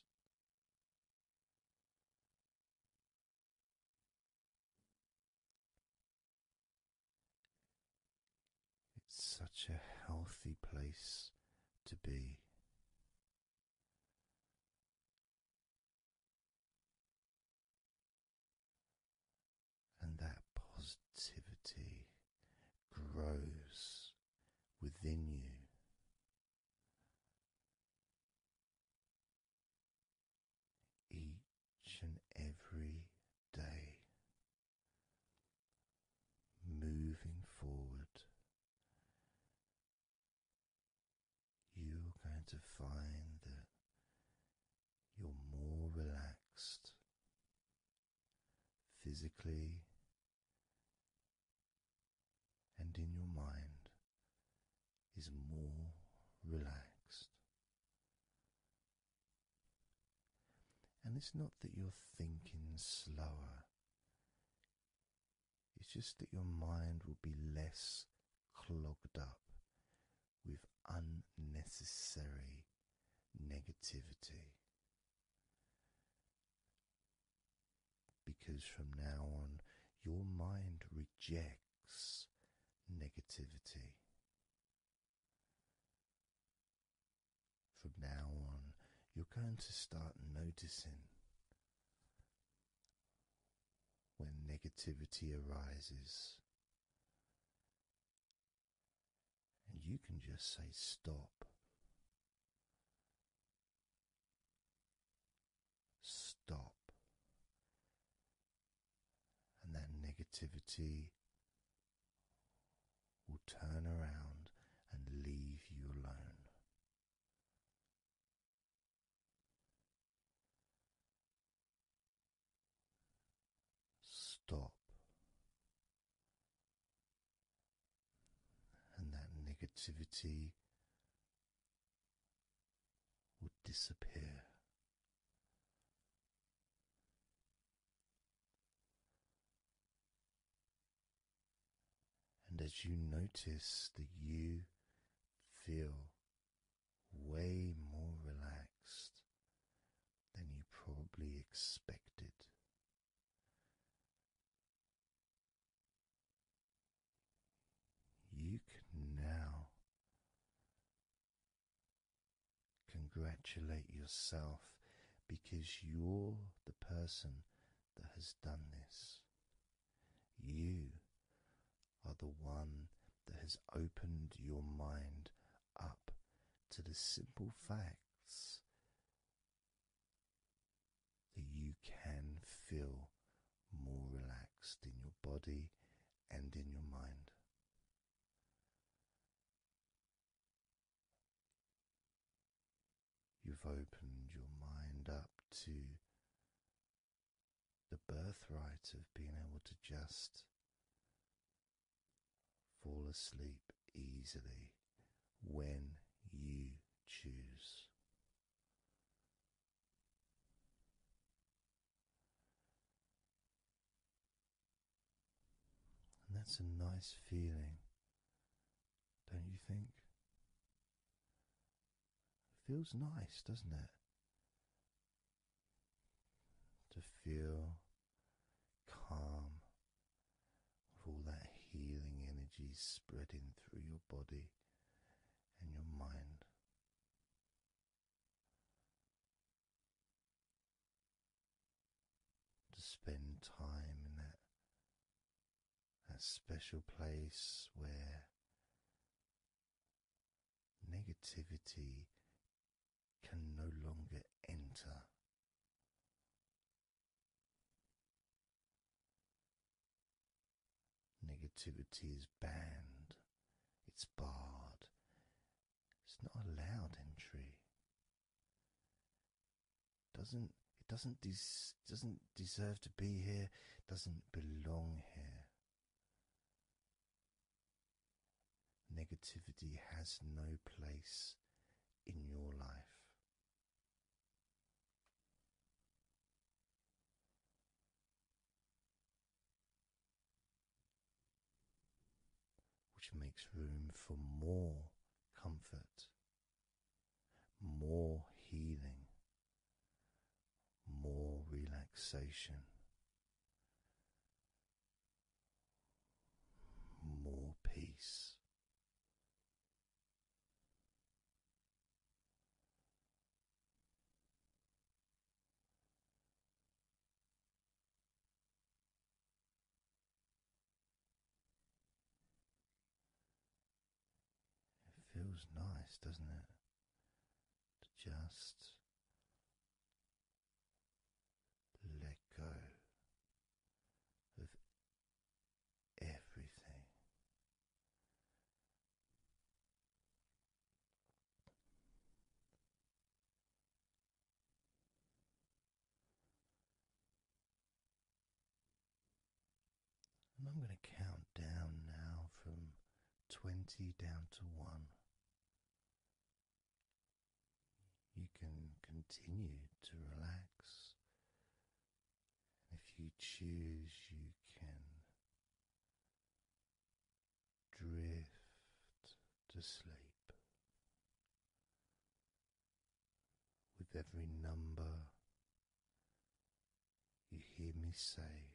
[SPEAKER 1] It's such a healthy place to be. And that positivity grows within you each and every day, moving forward, you're going to find that you're more relaxed physically and in your mind is more relaxed. And it's not that you're thinking slower, it's just that your mind will be less clogged up with unnecessary negativity. Because from now on, your mind rejects negativity. From now on, you're going to start noticing when negativity arises. And you can just say stop. Stop and that negativity will turn around and leave you alone. Stop. And that negativity will disappear and as you notice that you feel way more relaxed than you probably expected, you can now Congratulate yourself because you're the person that has done this. You are the one that has opened your mind up to the simple facts that you can feel more relaxed in your body and in your mind. You've opened your mind up to the birthright of being able to just fall asleep easily when you choose. And that's a nice feeling, don't you think? feels nice, doesn't it? To feel calm with all that healing energy spreading through your body and your mind to spend time in that, that special place where negativity can no longer enter. Negativity is banned, it's barred, it's not allowed entry. Doesn't it doesn't des doesn't deserve to be here, doesn't belong here. Negativity has no place in your life which makes room for more comfort, more healing, more relaxation, more peace. It feels nice, doesn't it? To just let go of everything. I'm going to count down now from 20 down to 1. You can continue to relax. If you choose, you can drift to sleep with every number you hear me say.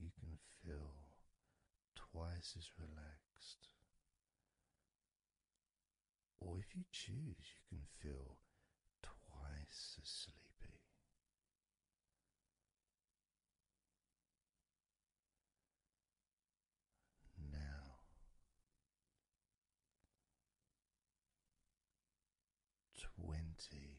[SPEAKER 1] You can feel twice as relaxed, or if you choose, you can feel twice as sleepy. Now, twenty.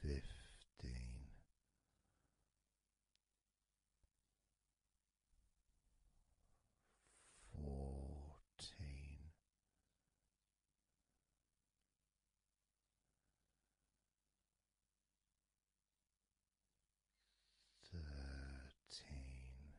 [SPEAKER 1] fifteen. Fourteen, thirteen,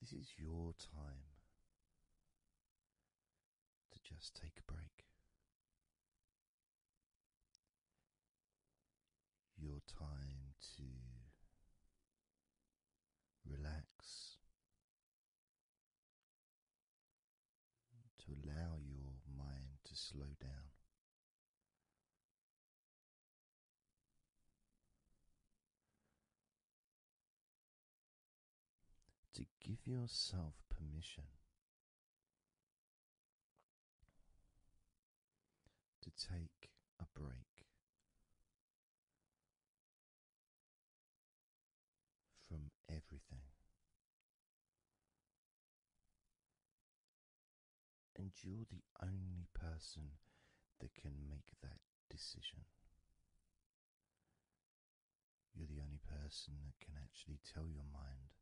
[SPEAKER 1] This is your time to just take a break. Your time to relax, to allow your mind to slow down to give yourself permission to take a break from everything and you're the only person that can make that decision you're the only person that can actually tell your mind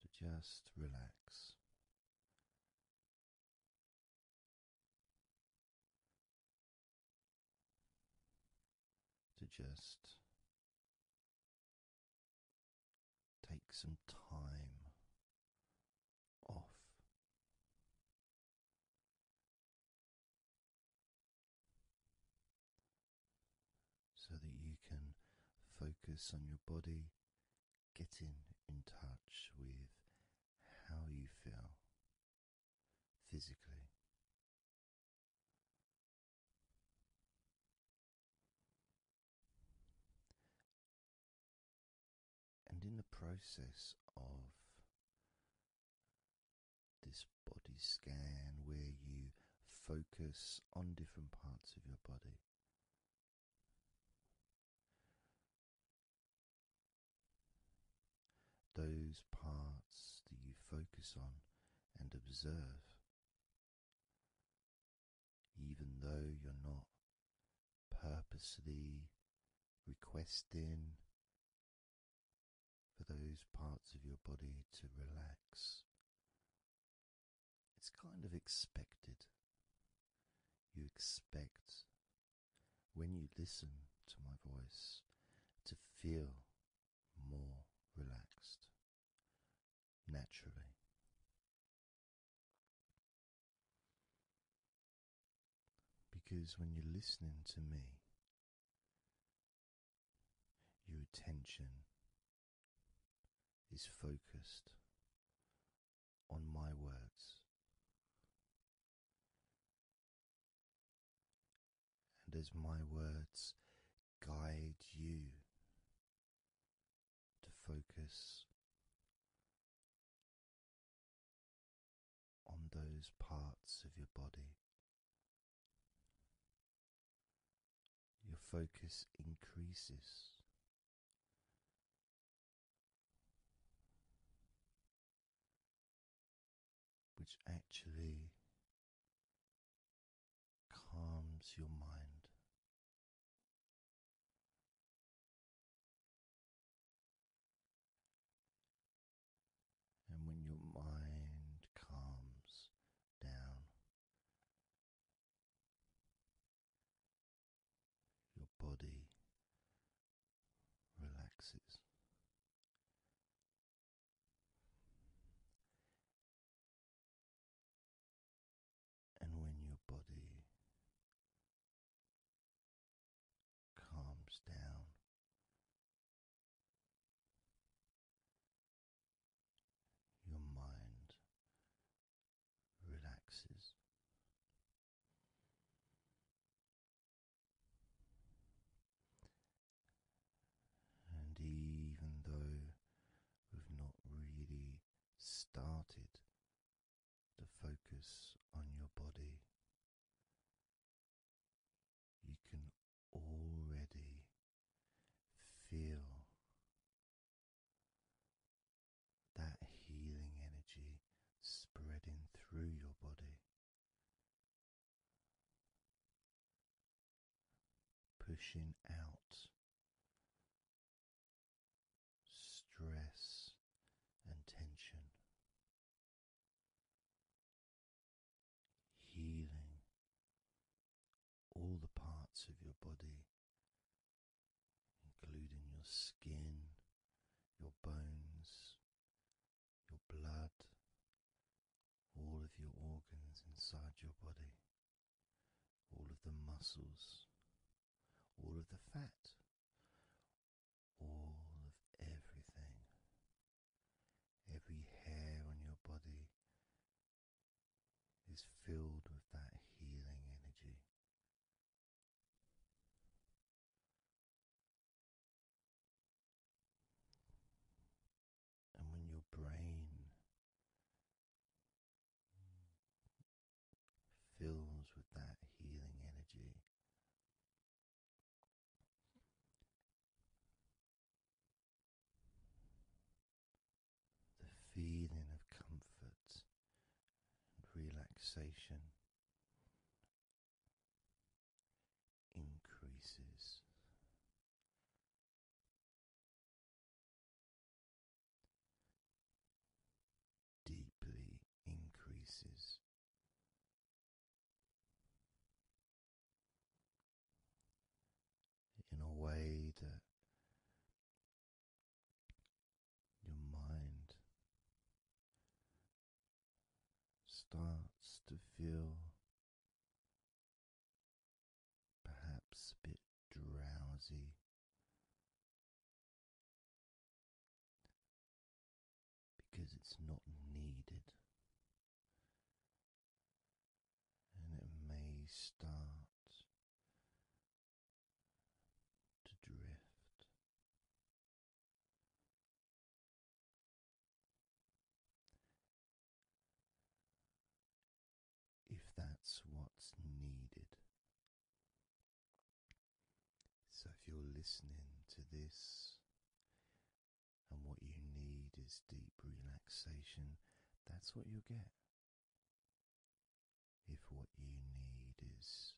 [SPEAKER 1] to just
[SPEAKER 3] relax. To just take some time off.
[SPEAKER 1] So that you can focus on your body, getting in touch with how you feel physically. And in the process of this body scan, where you focus on different parts of your body, those parts that you focus on and observe, even though you're not Purposefully requesting for those parts of your body to relax. It's kind of expected. You expect, when you listen to my voice, to feel more relaxed naturally. Because when you're listening to me, your attention is focused on my words. And as my words guide you to focus on those parts of your body. Your focus increases.
[SPEAKER 3] Which actually calms your mind and when your
[SPEAKER 1] mind calms down, your body relaxes.
[SPEAKER 3] And when your body calms down.
[SPEAKER 1] Your mind relaxes. And even though we've not really started to focus on your body. You can already feel that healing energy spreading through your body, pushing out stress and tension healing all the parts of your body, including your skin, your bones, your blood, all of your organs inside your body, all of the muscles, all of the fat, all of everything, every hair on your body is filled with that healing energy. And when your brain fills with that healing energy, the feeling of comfort and relaxation increases.
[SPEAKER 3] Deeply increases
[SPEAKER 1] in a way that your mind starts to feel
[SPEAKER 3] perhaps a bit
[SPEAKER 1] drowsy
[SPEAKER 3] because it's not needed.
[SPEAKER 1] And it may start to drift. If that's what's needed, so, if you're listening to this and what you need is deep relaxation, that's what you'll get. If what you need is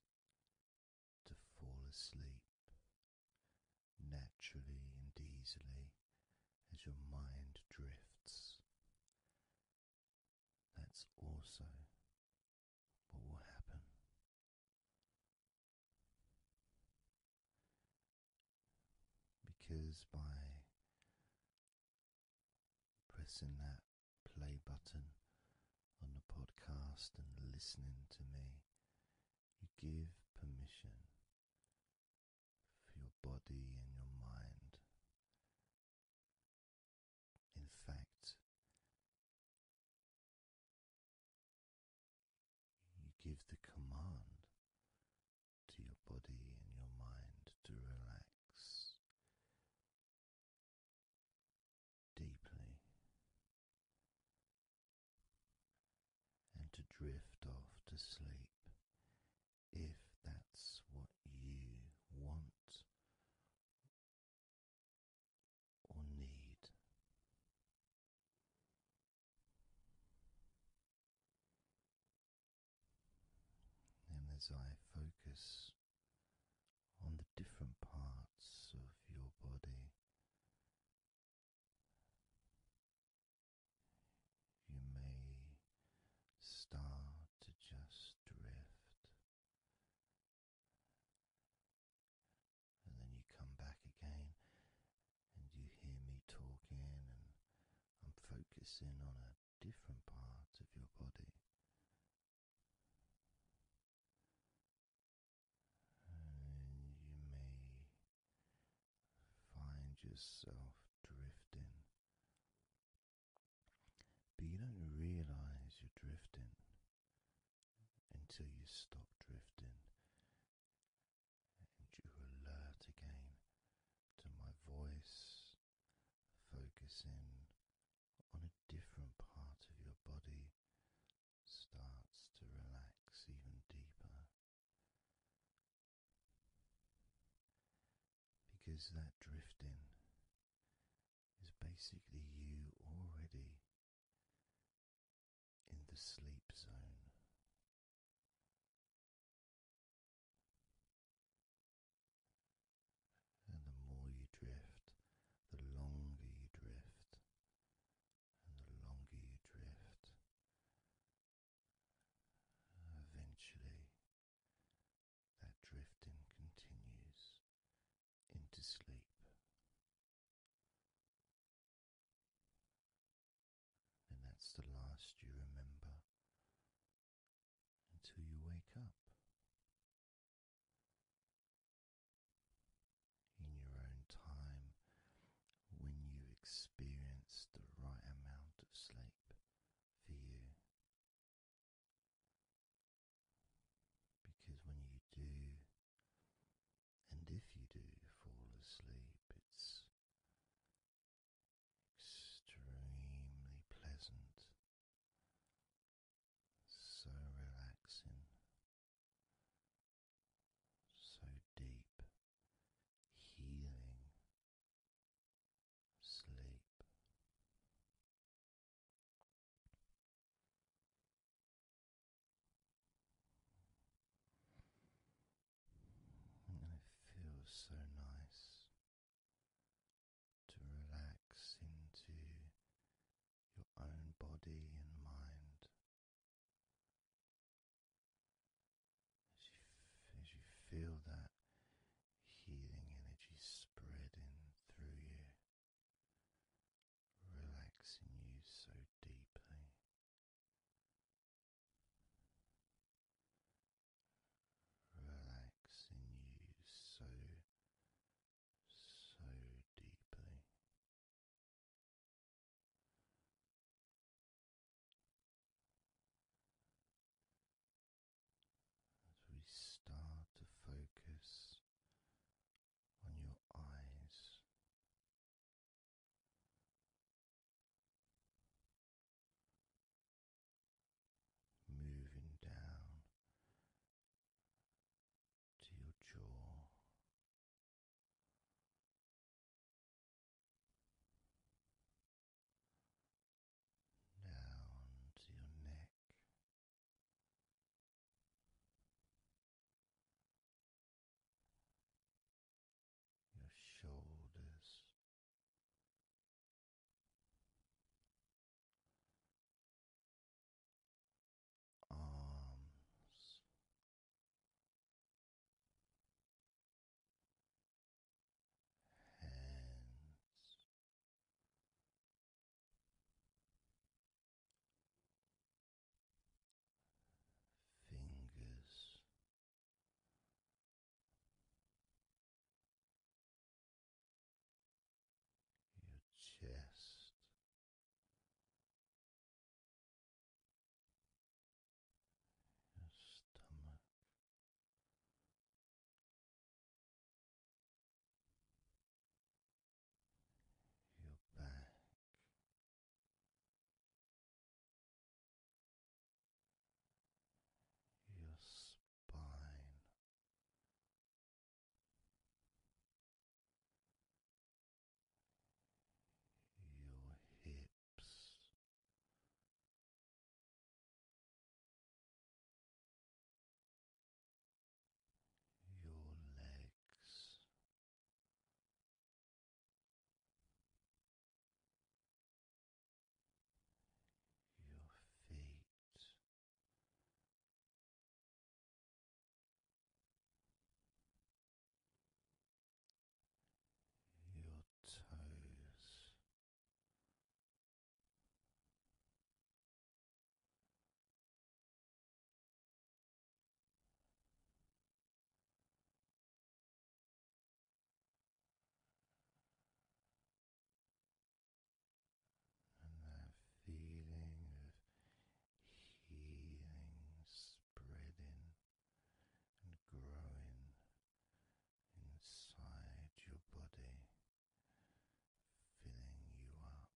[SPEAKER 1] to fall asleep naturally and easily as your mind drifts, that's also what will happen? Because by pressing that play button on the podcast and listening to me, you give permission for your body and your mind. In fact, you give the command to your body and your mind to relax deeply and to drift off to sleep if that's what you want or need. And as I focus on the different parts of your body, you may start to just drift and then you come back again and you hear me talking, and I'm focusing on a different part of your body. And you may find yourself drifting, but you don't realize you're drifting until you stop drifting and you alert again to my voice, focusing on a different part of your body starts to relax even deeper. Because that drifting is basically you already
[SPEAKER 3] in the sleep zone.
[SPEAKER 1] And the more you drift, the longer you drift, and the longer you drift, eventually that drifting continues into sleep. And that's the last you remember until you wake up in your own time when you experience the right amount of sleep for you. Because when you do and if you do fall asleep, it's extremely pleasant, so relaxing,
[SPEAKER 3] so deep, healing sleep
[SPEAKER 1] it feels so nice to relax into your own body and mind as you, as you feel that healing energy spreading through you. Relaxing you so deeply, relaxing you so, so deeply. As we start to focus on your eyes, Moving down
[SPEAKER 3] to your jaw, down to your neck your shoulders, arms, hands fingers. Your chest, your stomach, your back, your spine. Your hips, your legs, your feet. Your toes, and
[SPEAKER 1] that feeling of healing spreading and growing inside your body, filling you up.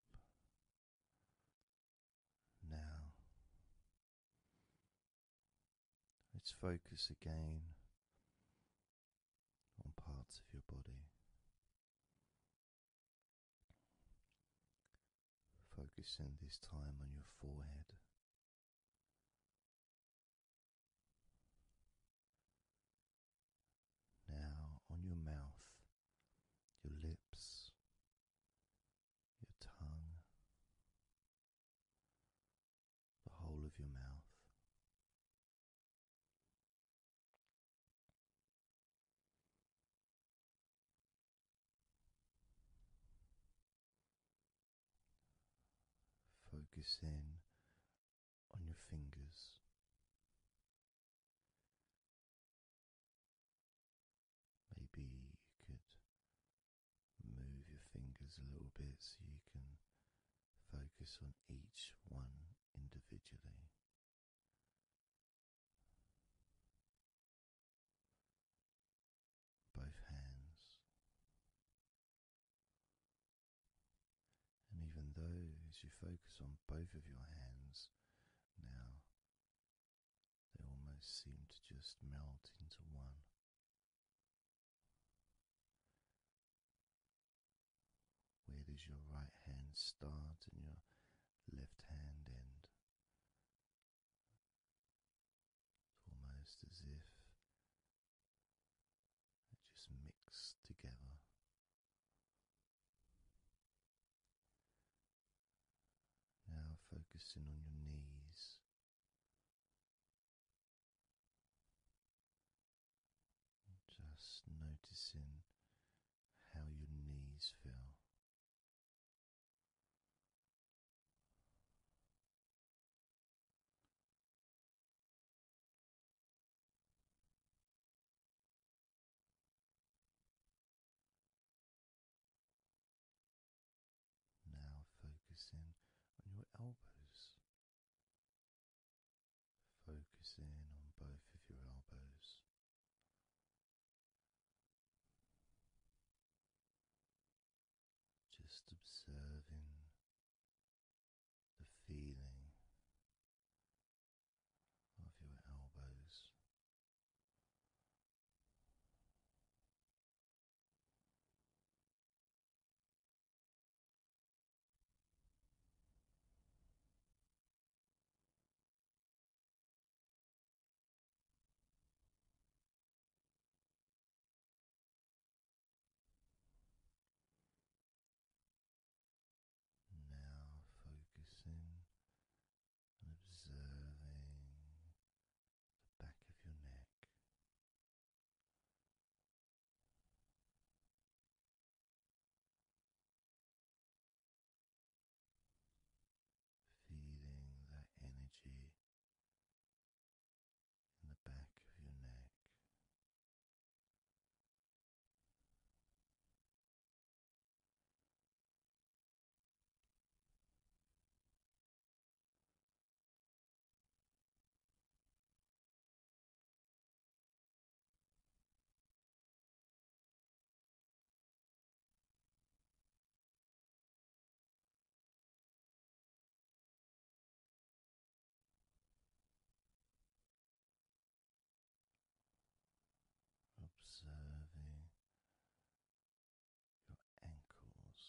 [SPEAKER 1] Now Let's focus again on parts of your body. Focusing this time on your forehead. Now on your mouth, your lips, your tongue, the whole of your mouth. Focus in on your fingers. Maybe you could move your fingers a little bit so you can focus on each one individually. Both hands, and even though you focus on both of your hands now, they almost seem to just melt into one. Where does your right hand start and your left hand end? almost as if they just mix together. Now focusing on your knees. Just noticing how your knees feel. Now focusing on your elbows. Focusing on both of your elbows. Just observing the feeling of your elbows. Now focusing and observing the back of your neck. Feeling that energy in the back of your neck. Observing your ankles.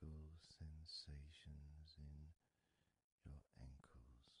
[SPEAKER 1] Being aware of the physical sensations in your ankles.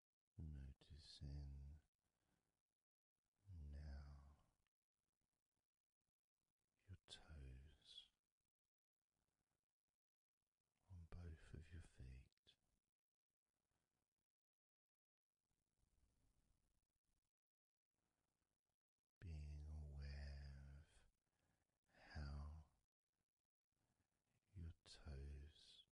[SPEAKER 1] Noticing now your toes on both of your feet. Being aware of how your toes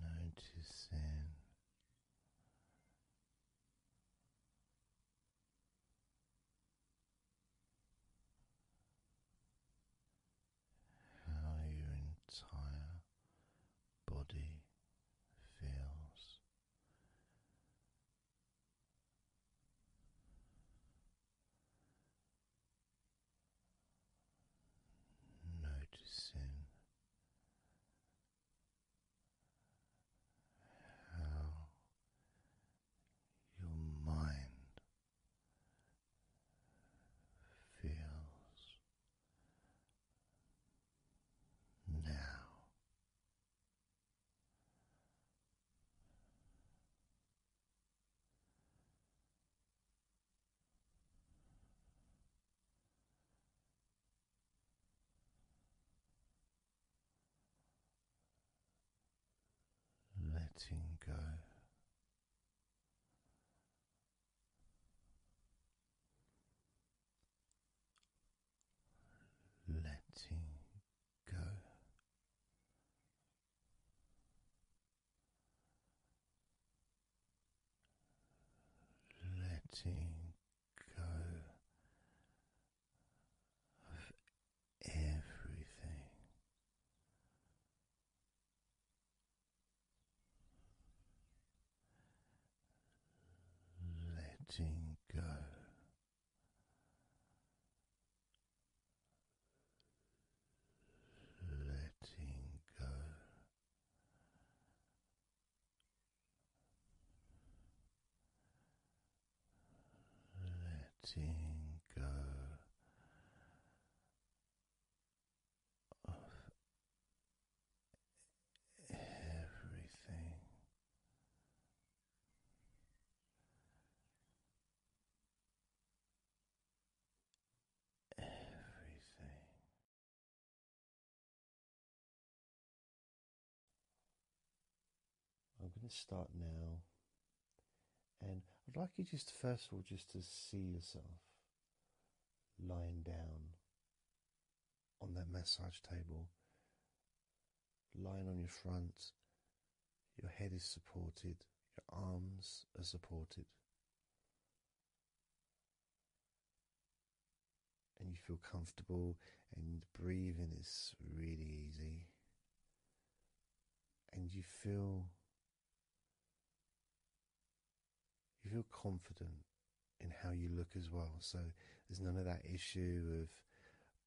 [SPEAKER 1] Noticing how your entire body feels. Noticing how your mind feels now, letting go letting go. Letting go of everything, letting go. Letting go, letting go of everything. Everything I'm going to start now, and I'd like you just first of all just to see yourself lying down on that massage table, lying on your front. Your head is supported, your arms are supported, and you feel comfortable, and breathing is really easy, and you feel you feel confident in how you look as well. So there's none of that issue of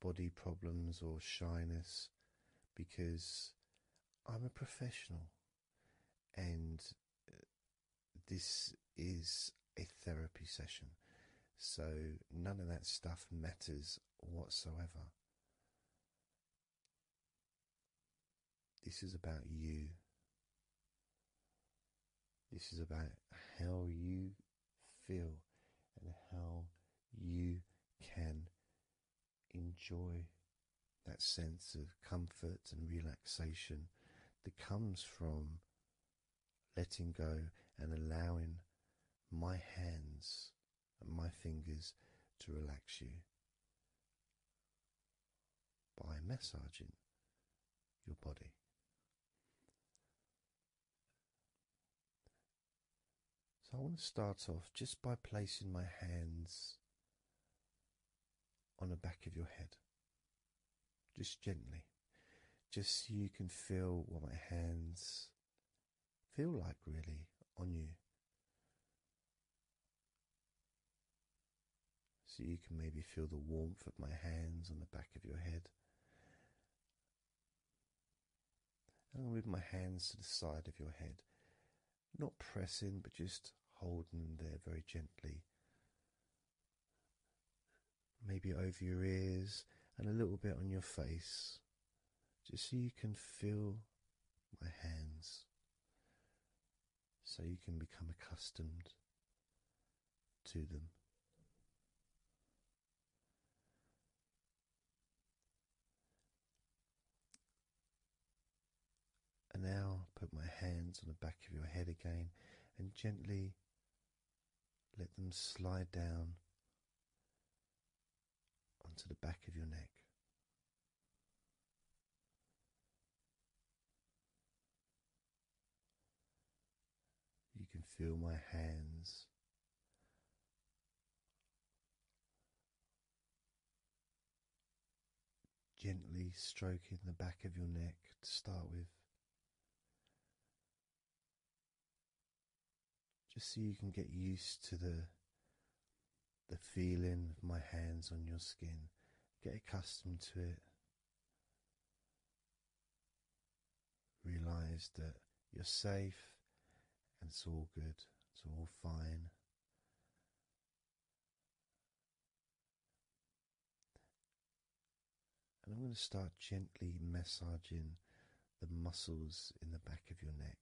[SPEAKER 1] body problems or shyness because I'm a professional and uh, this is a therapy session. So none of that stuff matters whatsoever. This is about you this is about how you feel and how you can enjoy that sense of comfort and relaxation that comes from letting go and allowing my hands and my fingers to relax you by massaging your body so I want to start off just by placing my hands on the back of your head, just gently, just so you can feel what my hands feel like really on you so you can maybe feel the warmth of my hands on the back of your head. And I'll move my hands to the side of your head, not pressing but just holding them there very gently. Maybe over your ears and a little bit on your face, just so you can feel my hands, so you can become accustomed to them. And now put my hands on the back of your head again and gently let them slide down onto the back of your neck. You can feel my hands. Gently stroking the back of your neck to start with, just so you can get used to the the feeling of my hands on your skin, get accustomed to it. Realize that you're safe and it's all good, it's all fine. And I'm going to start gently massaging the muscles in the back of your neck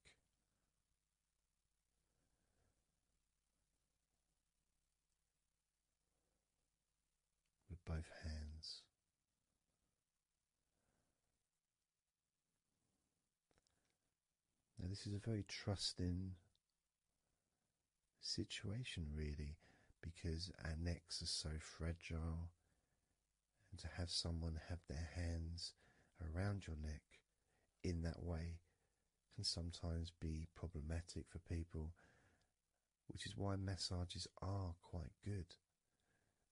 [SPEAKER 1] with both hands. Now, this is a very trusting situation, really, because our necks are so fragile, and to have someone have their hands around your neck in that way can sometimes be problematic for people which is why massages are quite good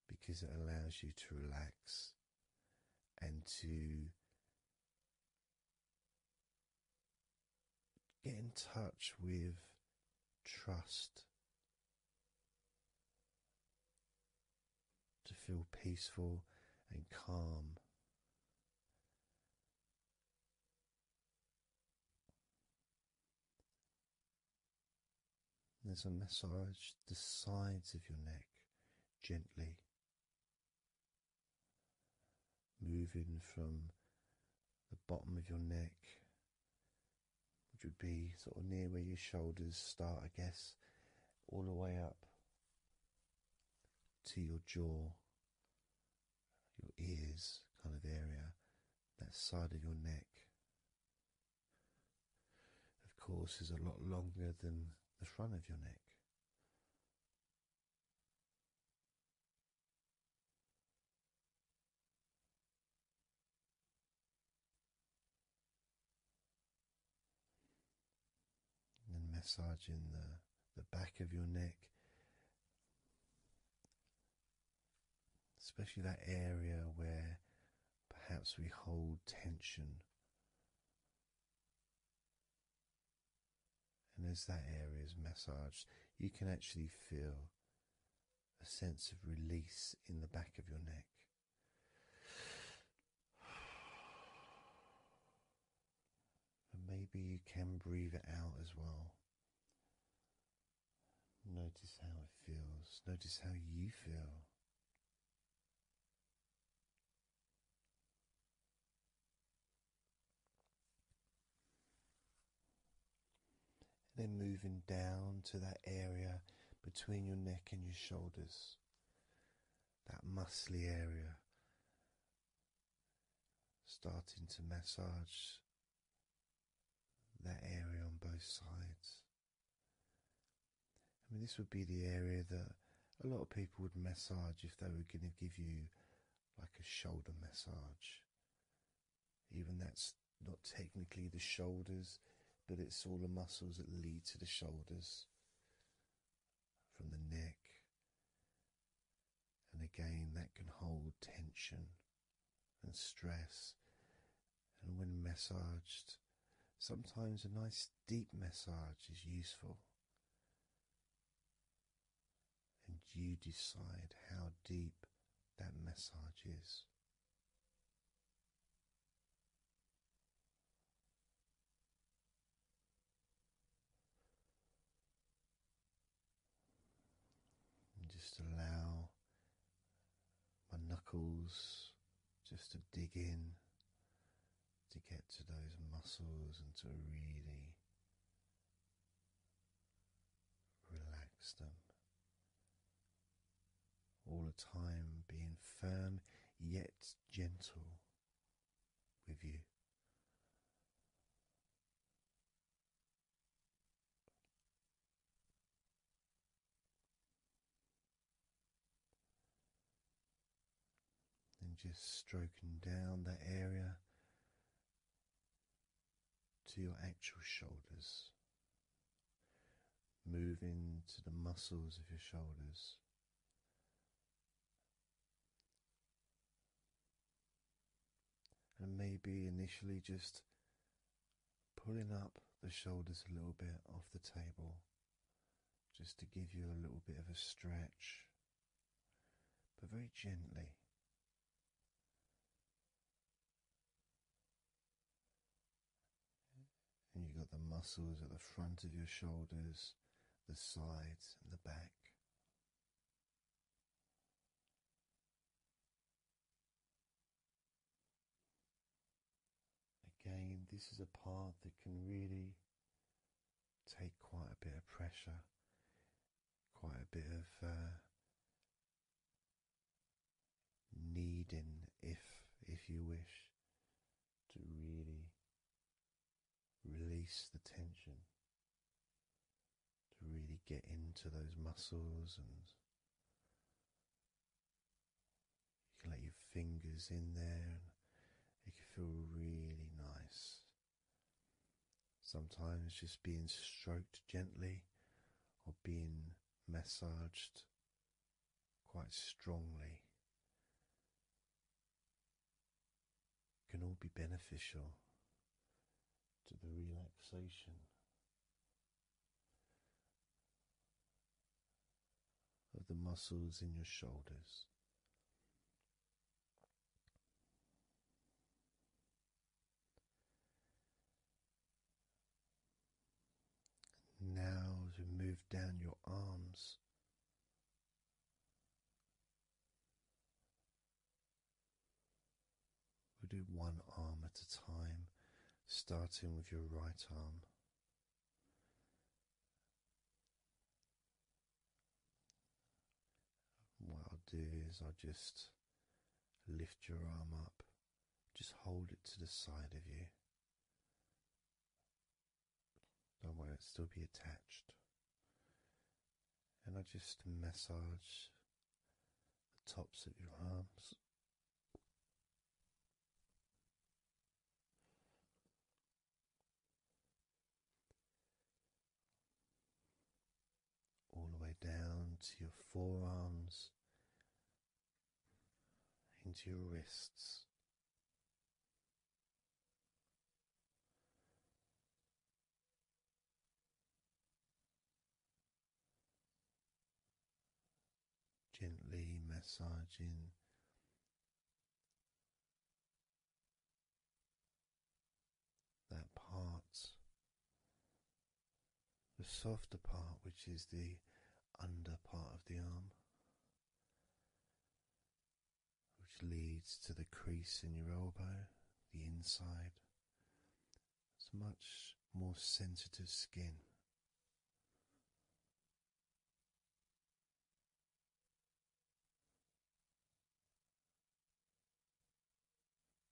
[SPEAKER 1] because it allows you to relax and to get in touch with trust. To feel peaceful and calm, there's a massage the sides of your neck gently, moving from the bottom of your neck, which would be sort of near where your shoulders start, I guess, all the way up to your jaw, your ears kind of area, that side of your neck. Of course, is a lot longer than the front of your neck. And massaging the the back of your neck especially that area where perhaps we hold tension. And as that area is massaged, you can actually feel a sense of release in the back of your neck. And maybe you can breathe it out as well. Notice how it feels, notice how you feel. then moving down to that area between your neck and your shoulders, that muscly area. Starting to massage that area on both sides. I mean, this would be the area that a lot of people would massage if they were going to give you like a shoulder massage. Even that's not technically the shoulders, but it's all the muscles that lead to the shoulders from the neck. And again, that can hold tension and stress. And when massaged, sometimes a nice deep massage is useful. And you decide how deep that massage is. just allow my knuckles just to dig in to get to those muscles and to really relax them. All the time being firm yet gentle with you. And just stroking down that area to your actual shoulders, moving to the muscles of your shoulders. And maybe initially just pulling up the shoulders a little bit off the table just to give you a little bit of a stretch, but very gently. And you've got the muscles at the front of your shoulders, the sides, and the back. Again, this is a part that can really take quite a bit of pressure, quite a bit of uh, needing, if if you wish, to really release the tension, to really get into those muscles and you can let your fingers in there and it can feel really nice. Sometimes just being stroked gently or being massaged quite strongly can all be beneficial to the relaxation of the muscles in your shoulders. Now, as we move down your arms, We'll do one arm at a time, starting with your right arm. What I'll do is I'll just lift your arm up, just hold it to the side of you. Don't worry, it'll still be attached. And I just massage the tops of your arms. All the way down to your forearms, into your wrists, Gently massaging that part, the softer part, which is the under part of the arm, which leads to the crease in your elbow, the inside, it's much more sensitive skin.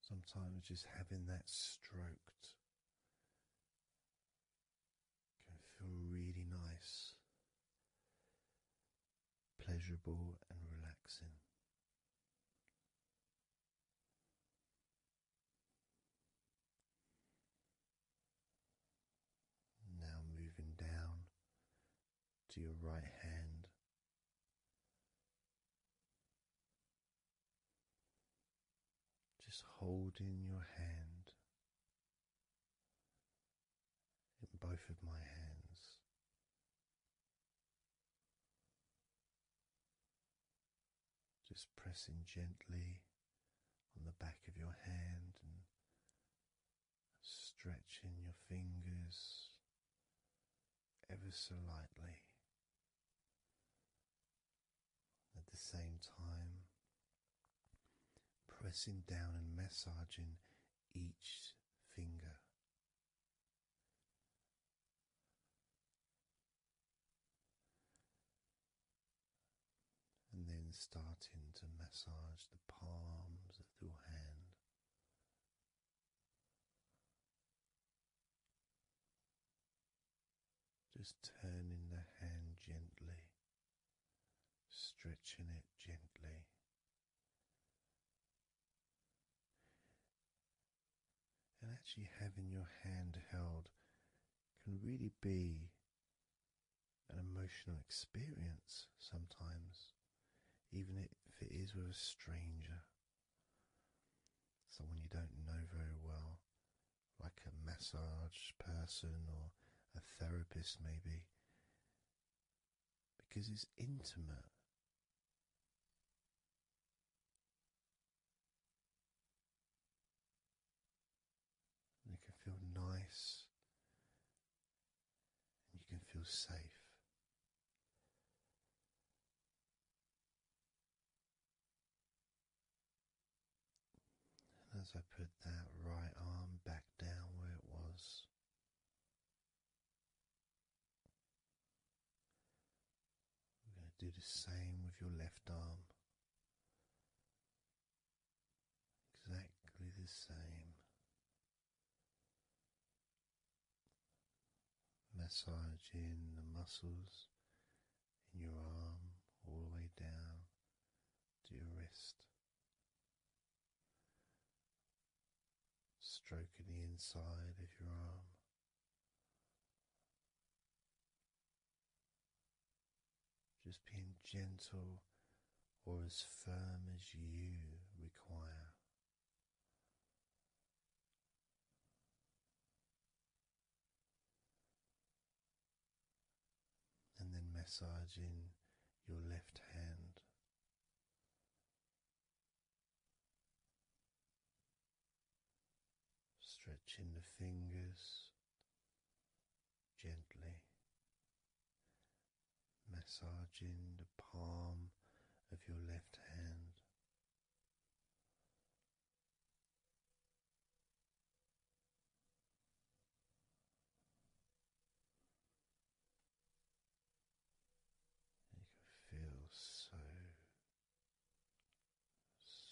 [SPEAKER 1] Sometimes just having that stroked can feel really nice, pleasurable, and relaxing. Now moving down to your right hand. Just holding your hand in both of my hands, just pressing gently on the back of your hand and stretching your fingers ever so lightly. At the same time, pressing down and massaging each finger and then starting to massage the palms of your hand. Just turning the hand gently, stretching it gently. And actually having your hand held can really be an emotional experience sometimes, even if it is with a stranger, someone you don't know very well, like a massage person or a therapist, maybe, because it's intimate. And can feel nice and you can feel safe. as I put that right arm back down where it was, we're going to do the same with your left arm. Exactly the same. Massaging the muscles in your arm all the way down to your wrist. Stroking the inside of your arm. Just being gentle or as firm as you require. And then massaging your left hand. Stretching the fingers, gently massaging the palm of your left hand. You can feel so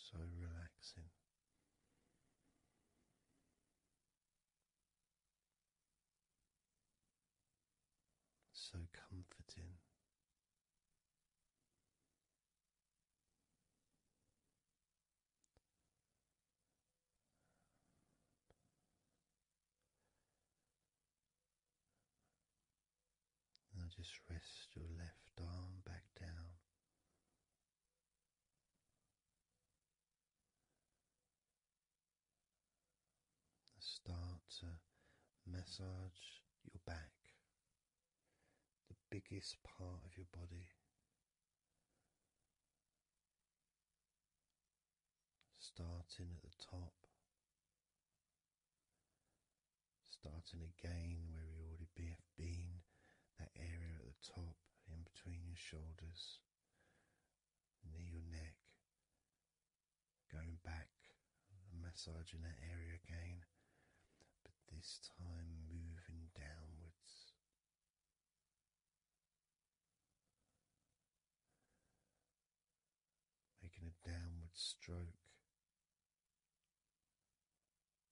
[SPEAKER 1] so relaxing. So comforting. Now just rest your left arm back down Start to massage your back, the biggest part of your body. Starting at the top, starting again where we already have been that area at the top, in between your shoulders, near your neck, going back massaging that area again, but this time moving downwards. Making a downward stroke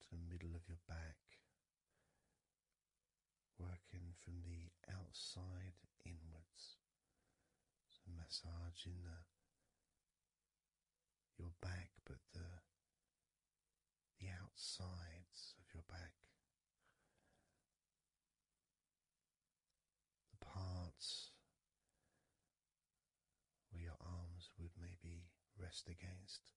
[SPEAKER 1] to the middle of your back, working from the outside inwards, so massaging the your back, but the the outsides of your back, the parts where your arms would maybe rest against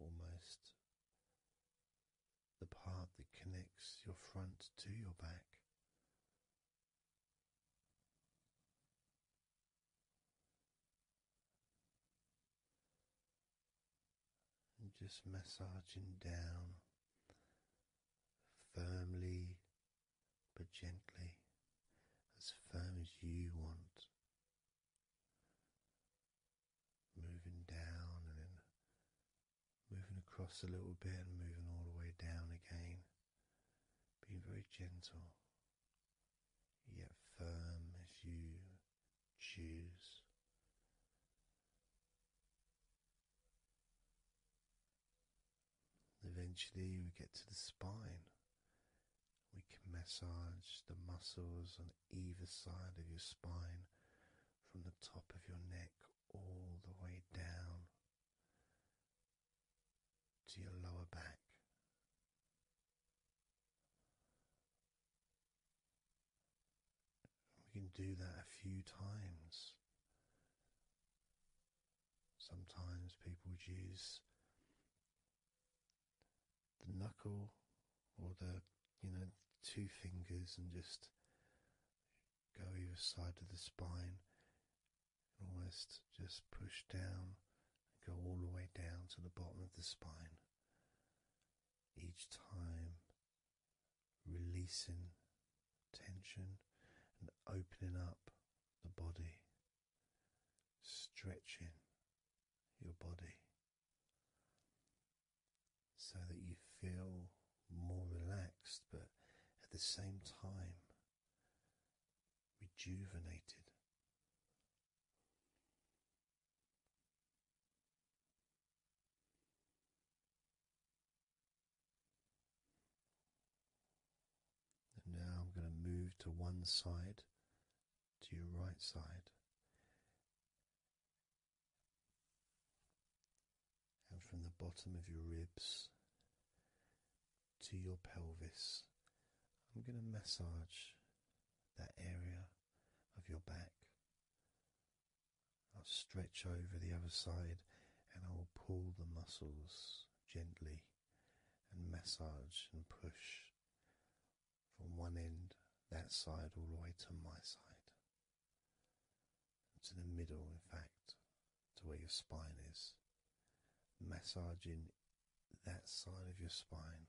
[SPEAKER 1] Almost the part that connects your front to your back. And just massaging down firmly but gently, as firm as you want. Moving down and then moving across a little bit and moving all the way down again. Being very gentle, yet firm as you choose. Eventually, we get to the spine. We can massage the muscles on either side of your spine from the top of your neck all the way down to your lower back. We can do that a few times Sometimes people would use the knuckle or the you know two fingers and just go either side of the spine and almost just push down and go all the way down to the bottom of the spine each time releasing tension and opening up the body, stretching your body so that you feel more relaxed but at the same time rejuvenated now I'm going to move to one side, to your right side. And from the bottom of your ribs to your pelvis, I'm going to massage that area of your back. I'll stretch over the other side and I will pull the muscles gently and massage and push from one end, that side, all the way to my side, to the middle, in fact, to where your spine is. Massaging that side of your spine,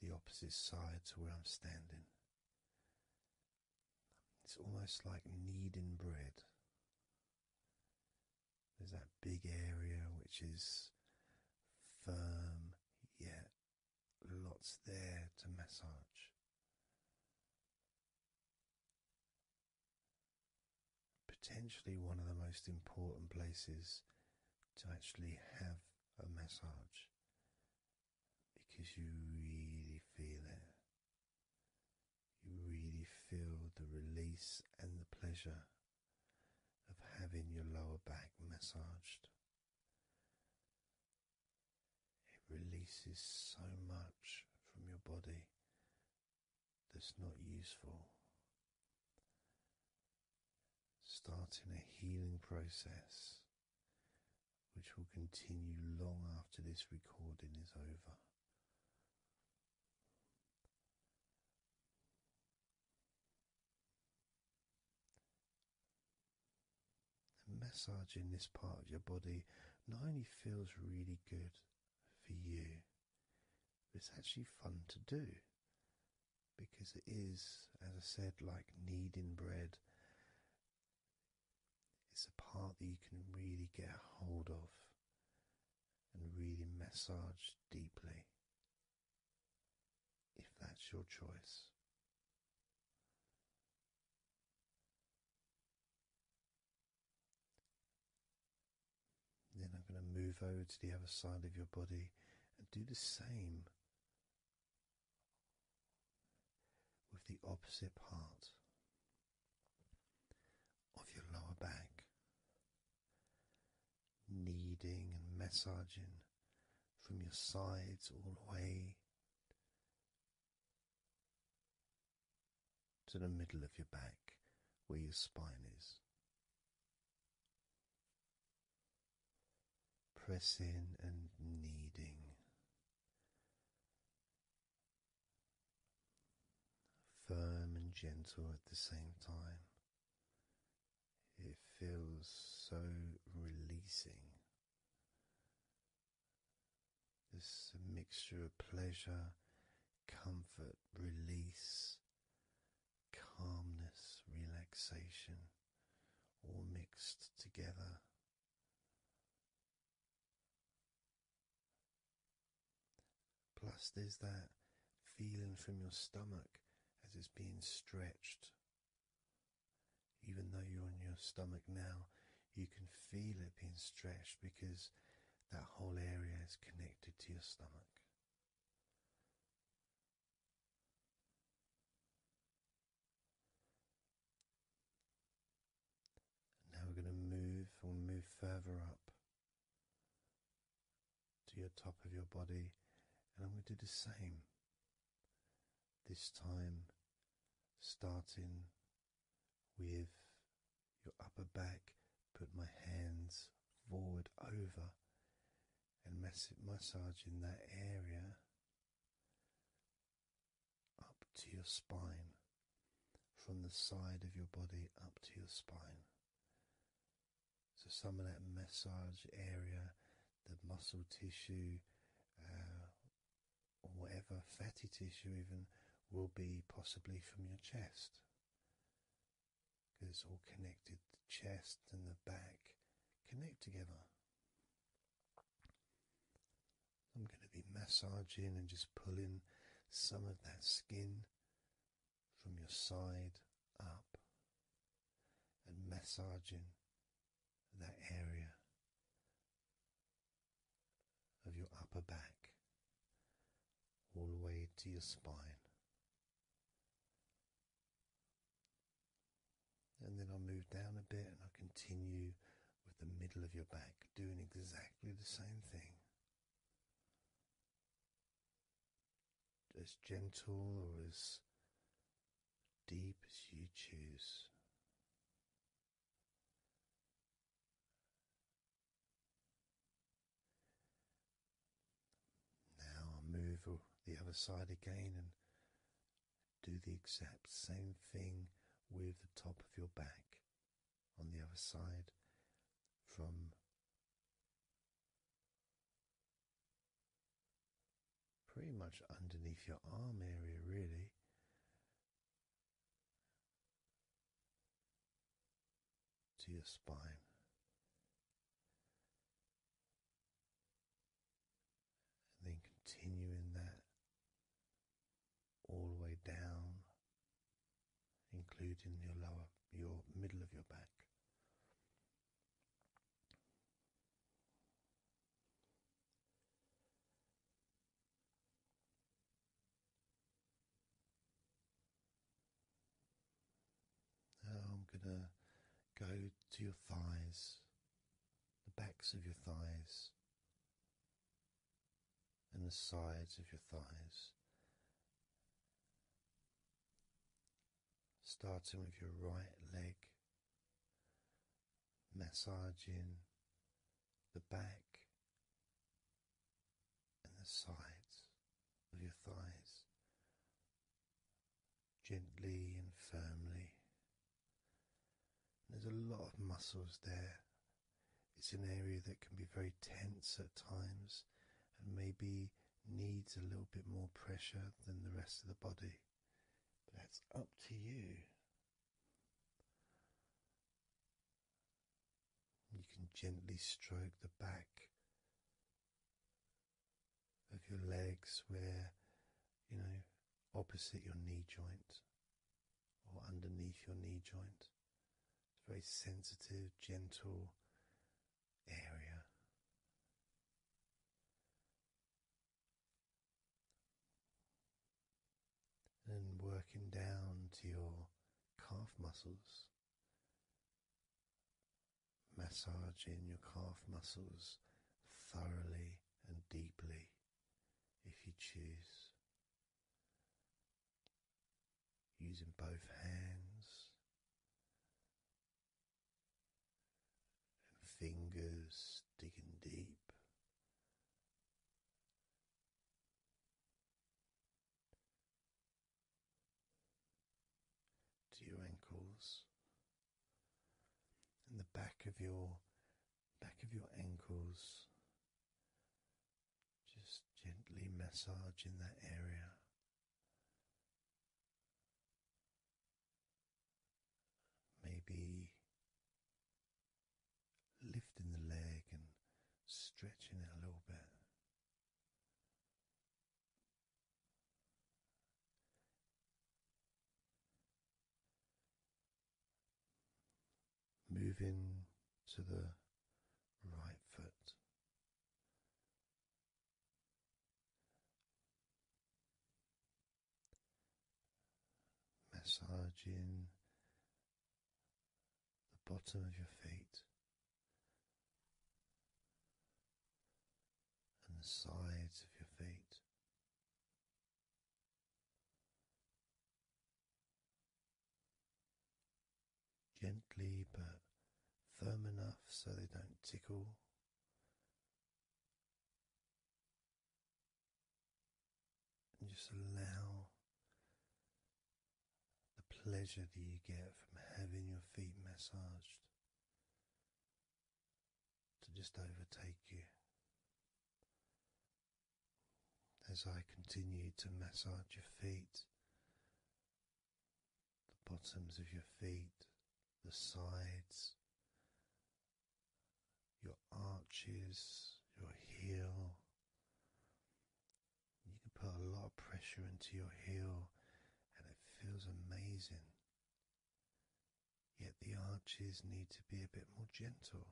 [SPEAKER 1] the opposite side to where I'm standing. It's almost like kneading bread. There's that big area which is firm, yet lots there to massage. Potentially one of the most important places to actually have a massage because you really feel it. You really feel the release and the pleasure of having your lower back massaged. It releases so much from your body that's not useful. Starting a healing process which will continue long after this recording is over. And massaging this part of your body not only feels really good for you, it's actually fun to do because it is, as I said, like kneading bread. It's a part that you can really get hold of and really massage deeply if that's your choice. Then I'm going to move over to the other side of your body and do the same with the opposite part of your lower back, kneading and massaging from your sides all the way to the middle of your back where your spine is. Pressing and kneading firm and gentle at the same time. It feels so releasing. This mixture of pleasure, comfort, release, calmness, relaxation, all mixed together. Plus, there's that feeling from your stomach as it's being stretched. Even though you're on your stomach now, you can feel it being stretched because that whole area is connected to your stomach. Now we're going to move, we move further up to your top of your body, and I'm going to do the same. This time, starting with your upper back, put my hands forward over and mass massaging that area up to your spine from the side of your body up to your spine. So, some of that massage area, the muscle tissue, uh, or whatever fatty tissue, even will be possibly from your chest because it's all connected. The chest and the back connect together. I'm going to be massaging and just pulling some of that skin from your side up and massaging that area of your upper back all the way to your spine. And then I will move down a bit and I will continue with the middle of your back, doing exactly the same thing as gentle or as deep as you choose. Now i move the other side again and do the exact same thing with the top of your back on the other side from pretty much underneath your arm area, really. To your spine, and then continuing that all the way down including your lower, your middle of your back. I'm going to go to your thighs, the backs of your thighs, and the sides of your thighs, starting with your right leg, massaging the back and the sides of your thighs gently and firmly. There's a lot of muscles there it's an area that can be very tense at times and maybe needs a little bit more pressure than the rest of the body. But that's up to you. You can gently stroke the back of your legs where, you know, opposite your knee joint or underneath your knee joint. It's a very sensitive, gentle area. And working down to your calf muscles, massaging your calf muscles thoroughly and deeply if you choose using both hands and fingers digging deep. To your ankles and the back of your back of your ankles, just gently massage in that area Maybe lifting the leg and stretching it a little bit. Moving to the right foot, Massaging the bottom of your feet and the sides of your feet gently but firm enough so they don't tickle. And just allow the pleasure that you get from having your feet massaged to just overtake you. As I continue to massage your feet, the bottoms of your feet, the sides, your arches, your heel. You can put a lot of pressure into your heel and it feels amazing. Yet the arches need to be a bit more gentle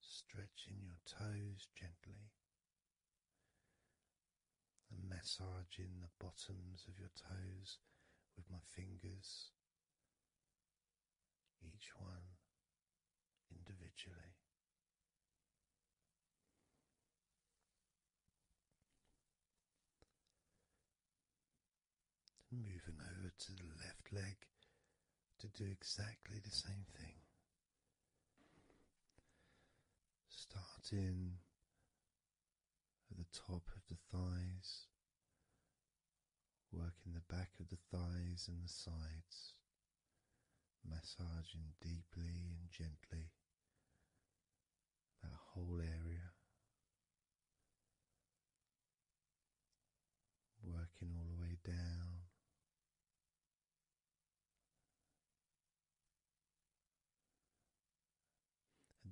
[SPEAKER 1] stretching your toes gently and massaging the bottoms of your toes with my fingers, each one individually. moving over to the left leg to do exactly the same thing. Starting at the top of the thighs, working the back of the thighs and the sides, massaging deeply and gently that whole area. Working all the way down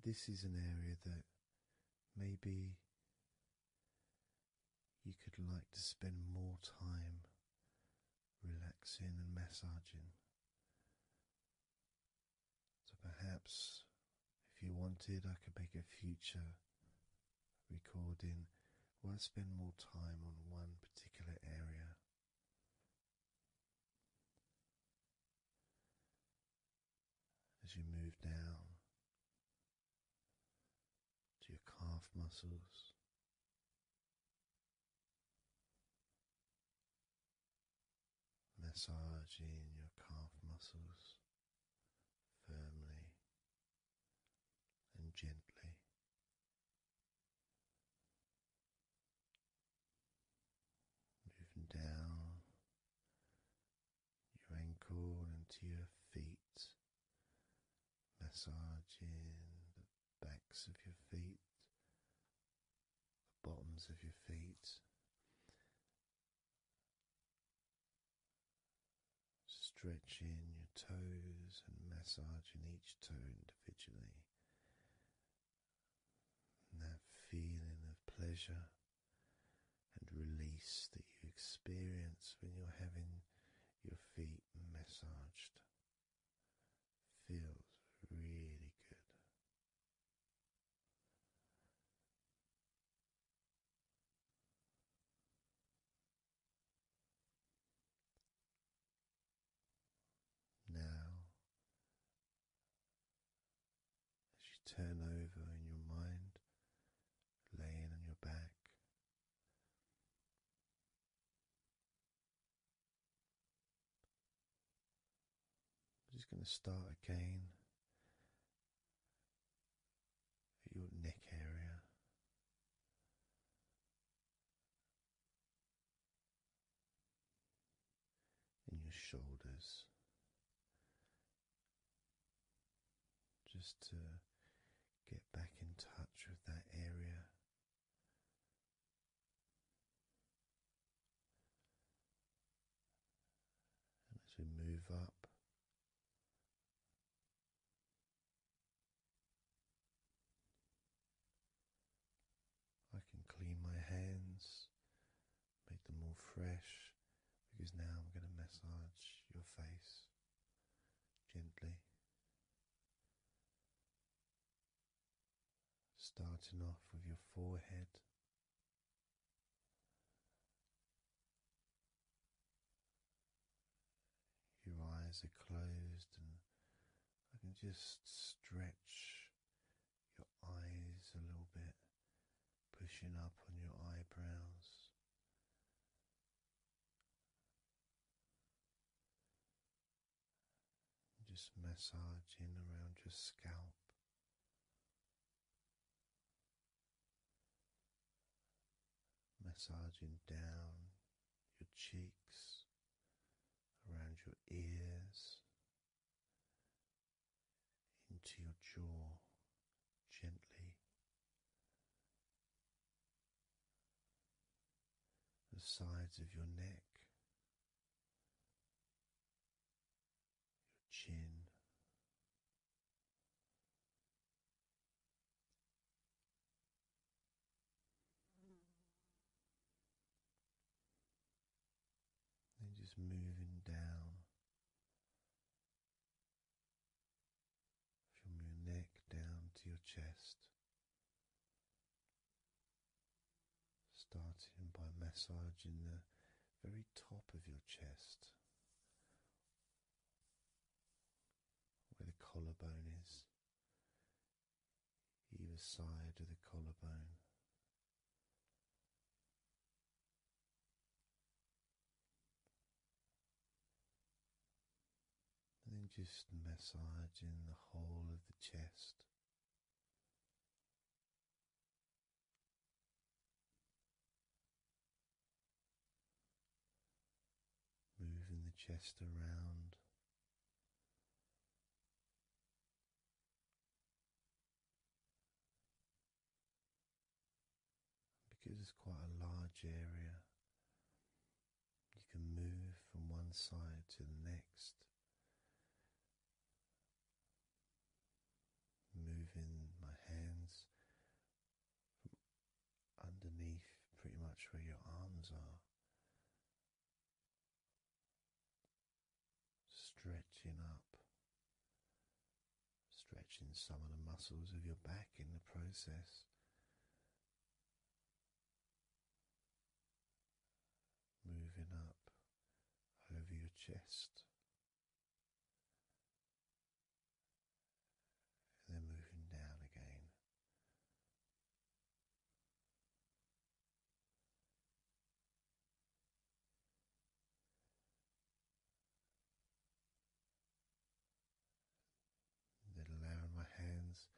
[SPEAKER 1] this is an area that maybe you could like to spend more time relaxing and massaging. So perhaps if you wanted, I could make a future recording won't spend more time on one particular area. As you move down to your calf muscles, massaging your calf muscles firmly and gently. Moving down your ankle to your feet, massaging the backs of your feet, the bottoms of your feet, stretching your toes and massaging each toe individually. And that feeling of pleasure and release that you experience when you're having your feet massaged feels really good. Now, as you turn over in your mind, laying on your back, I'm just going to start again at your neck area and your shoulders just to get back in touch with that area. And as we move up I can clean my hands, make them more fresh, because now I'm going to massage your face gently. Starting off with your forehead, your eyes are closed, and I can just stretch your eyes a little bit, pushing up on your eyebrows. Just massaging around your scalp. Massaging down your cheeks, around your ears, into your jaw gently. The sides of your neck, your chin, then just moving down from your neck down to your chest. Starting by massaging the very top of your chest, where the collarbone is, either side of the collarbone. And then just massaging the whole of the chest. Moving the chest around because it's quite a large area, you can move from one side to the next, moving my hands underneath pretty much where your arms are. Stretching up, stretching some of the muscles of your back in the process. Moving up over your chest, and then moving down again allowing my hands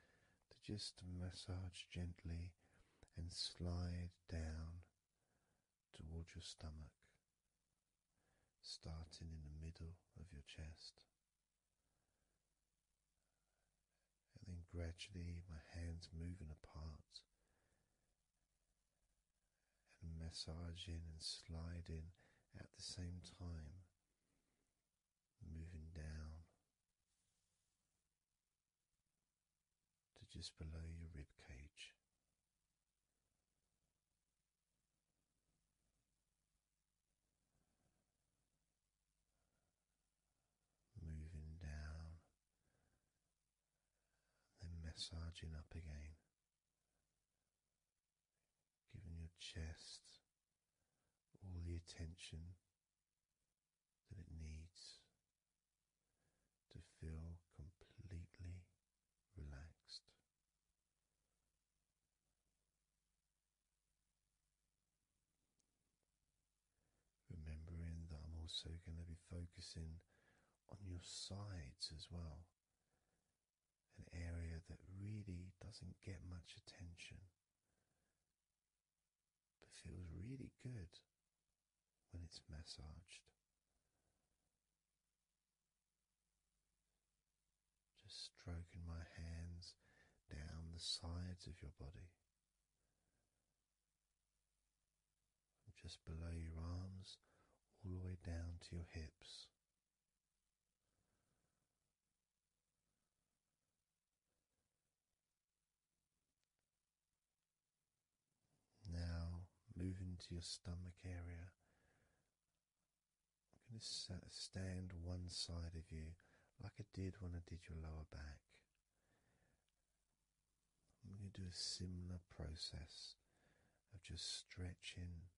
[SPEAKER 1] to just massage gently and slide down towards your stomach, starting in the middle of your chest and then gradually my hands moving apart and massaging and sliding at the same time, moving down to just below your rib cage moving down, then massaging up again, giving your chest all the attention that it needs to feel completely relaxed. Remembering that I'm also going to be focusing on your sides as well, an area that really doesn't get much attention but feels really good when it's massaged. Just stroking my hands down the sides of your body just below your arms, all the way down to your hips. Now, moving to your stomach area, I'm going to stand one side of you like I did when I did your lower back. I'm going to do a similar process of just stretching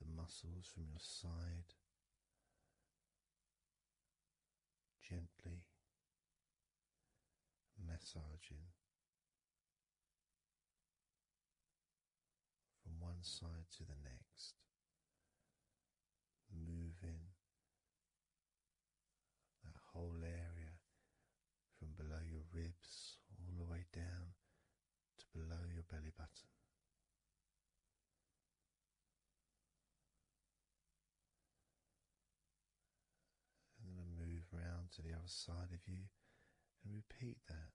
[SPEAKER 1] the muscles from your side gently massaging from one side to the next moving that whole area from below your ribs all the way down to below your belly button. And then move around to the other side of you and repeat that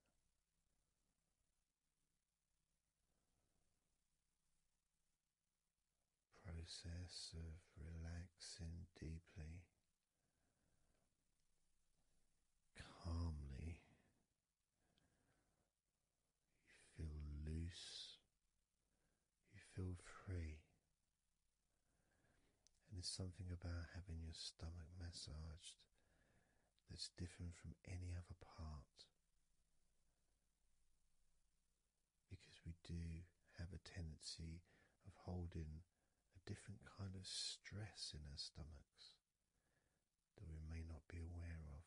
[SPEAKER 1] process of relaxing deeply, calmly. You feel loose, you feel free. And there's something about having your stomach massaged that's different from any other part because we do have a tendency of holding a different kind of stress in our stomachs that we may not be aware of.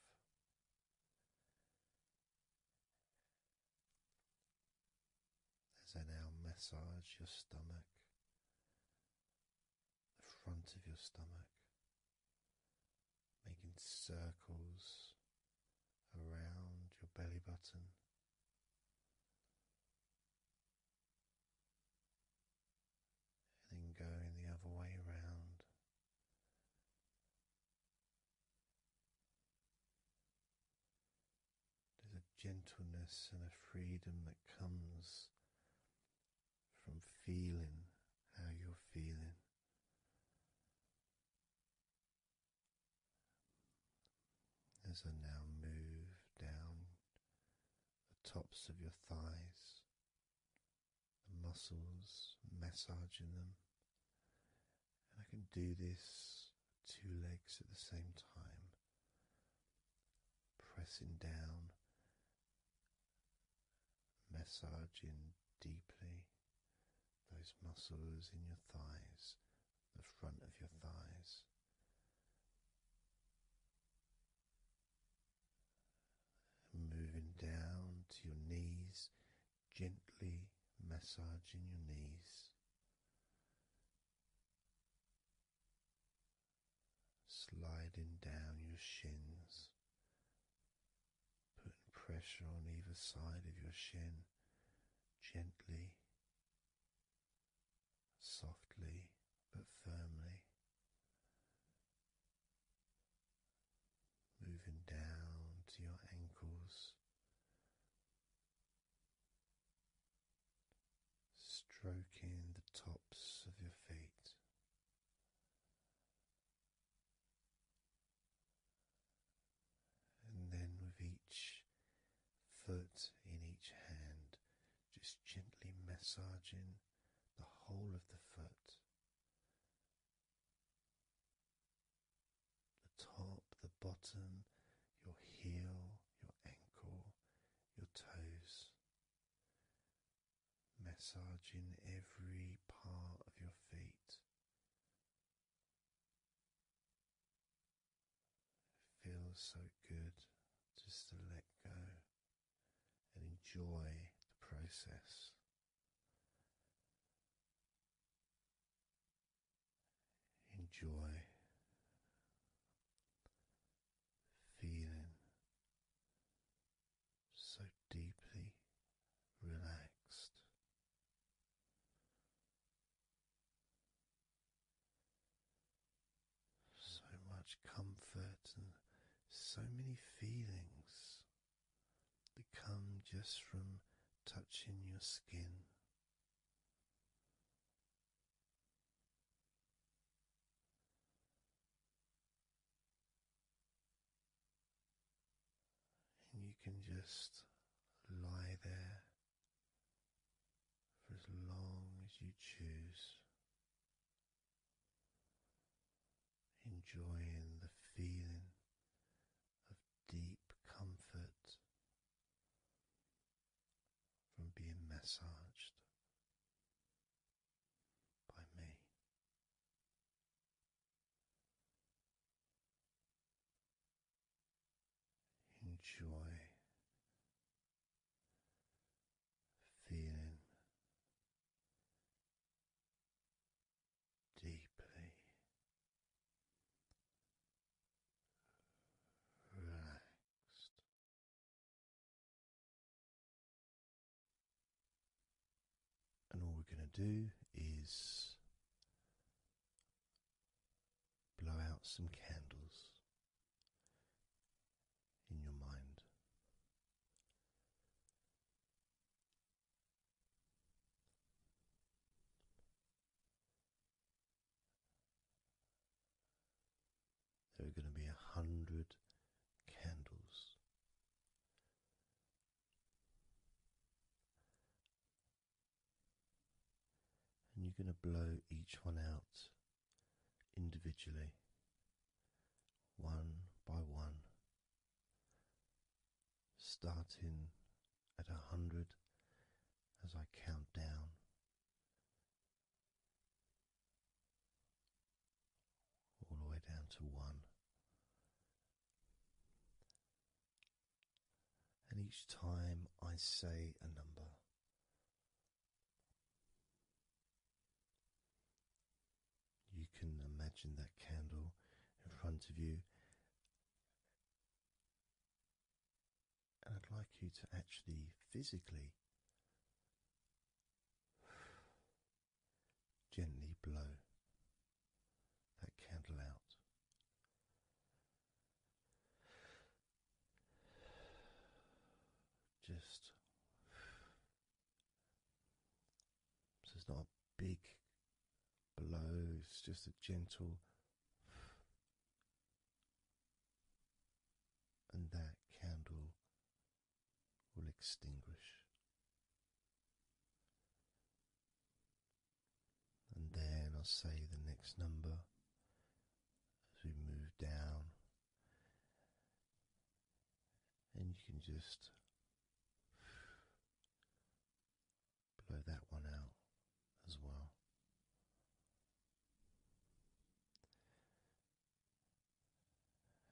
[SPEAKER 1] As I now massage your stomach, the front of your stomach, making circles around your belly button. And then going the other way around. There's a gentleness and a freedom that comes from feeling how you're feeling. As I now move down the tops of your thighs, the muscles massaging them, and I can do this two legs at the same time, pressing down, massaging deeply those muscles in your thighs, the front of your thighs. Moving down to your knees, gently massaging your knees. Sliding down your shins, putting pressure on either side of your shin gently, softly, but firmly. Moving down to your ankles, stroking the tops of your feet, and then with each foot in each hand, just gently massaging the whole of the foot. The top, the bottom, your heel, your ankle, your toes, massaging every part of your feet, it feels so good just to let go and enjoy the process. Enjoy feeling so deeply relaxed so much comfort and so many feelings that come just from touching your skin and you can just lie there for as long as you choose, enjoying the feeling of deep comfort from being massaged by me enjoy feeling deeply relaxed. And all we're going to do is blow out some candles in your mind. There are going to be a hundred candles and you're going to blow each one out individually, one by one, starting at a hundred as I count down. All the way down to one, and each time I say a number, you can imagine that candle in front of you, and I'd like you to actually physically. <sighs> Gently blow that candle out. Just it's not a big blow, it's just a gentle. And that candle will extinguish and then I'll say the next number as we move down, and you can just blow that one out as well.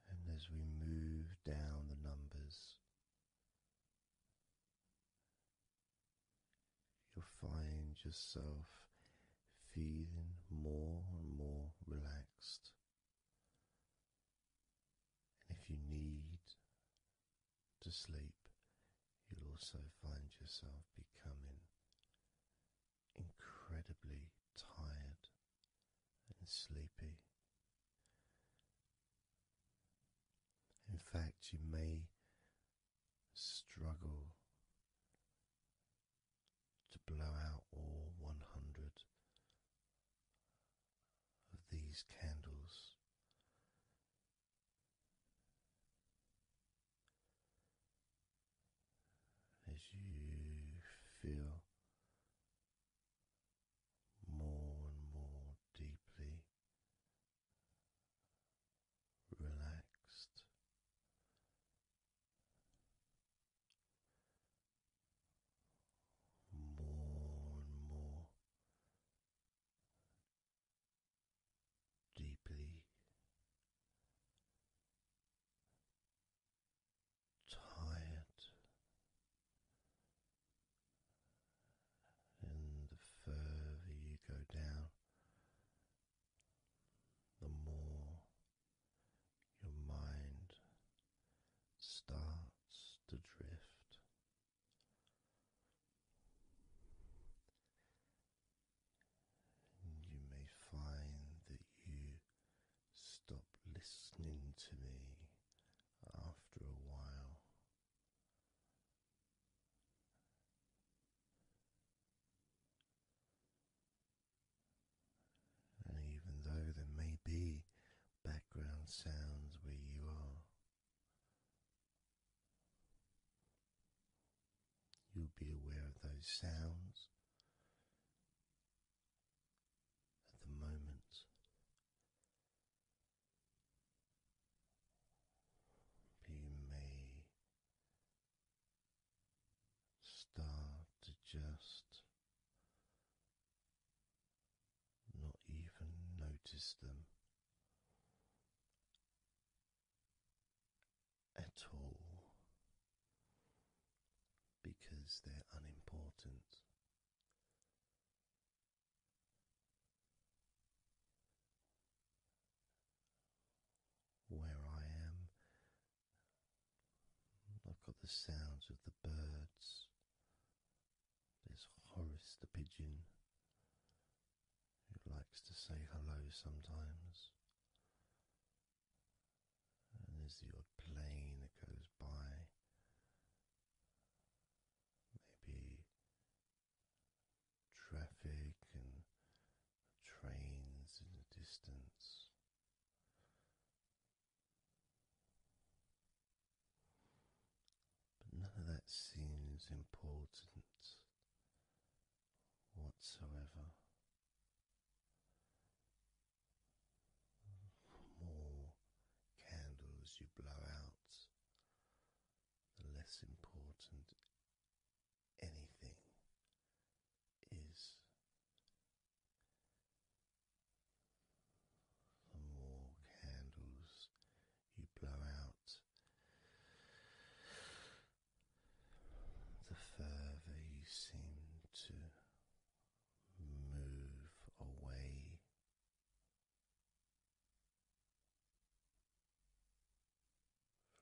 [SPEAKER 1] And as we move down the numbers, you'll find yourself feeling more and more relaxed. And if you need to sleep, you'll also find yourself becoming incredibly tired and sleepy. In fact, you may struggle to blow out all 100 of these candles. As you feel more and more deeply relaxed. More and more deeply tired and the further you go down, the more your mind starts to drift. you may find that you stop listening to me after a while. And even though there may be background sounds where you are, you'll be aware of those sounds at the moment you may start to just not even notice them at all because they're unimportant where I am. I've got the sounds of the birds. There's Horace the pigeon who likes to say hello sometimes. And there's the odd plane that goes by. Maybe traffic and trains in the distance. But none of that seems important whatsoever. more candles you blow out, the less important anything is. The more candles you blow out, the further you seem to move away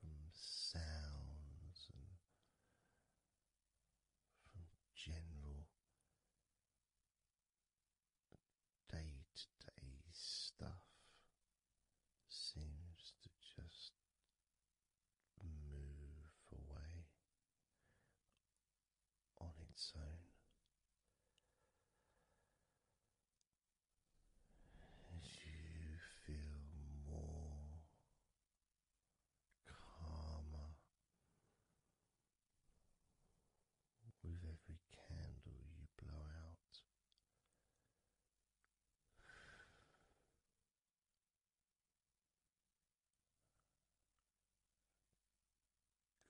[SPEAKER 1] from sounds and from general day to day stuff seems to just move away on its own as you feel more calmer with every candle you blow out.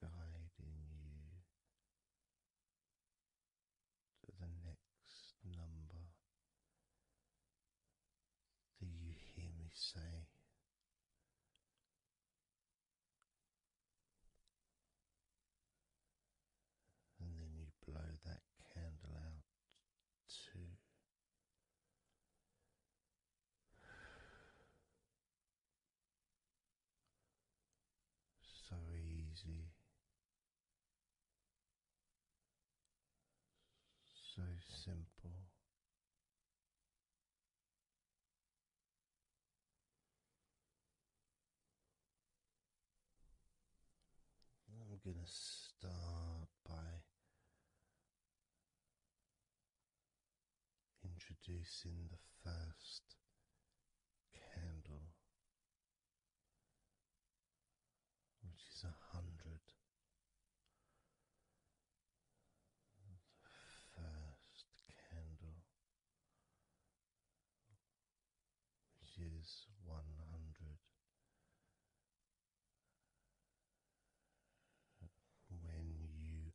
[SPEAKER 1] Guiding you to the next number that you hear me say. And then you blow that candle out too. So easy so simple. I'm going to start by introducing the first candle which is a hundred. The first candle, which is one hundred. When you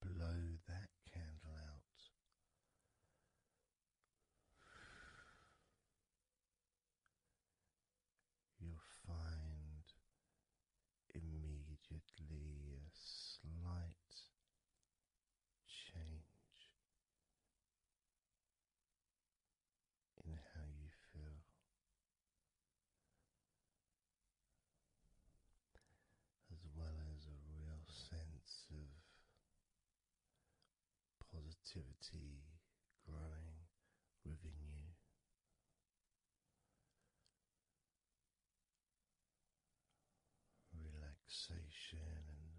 [SPEAKER 1] blow that candle out, You'll find immediately a slight change in how you feel. As well as a real sense of positivity growing within you. Relaxation and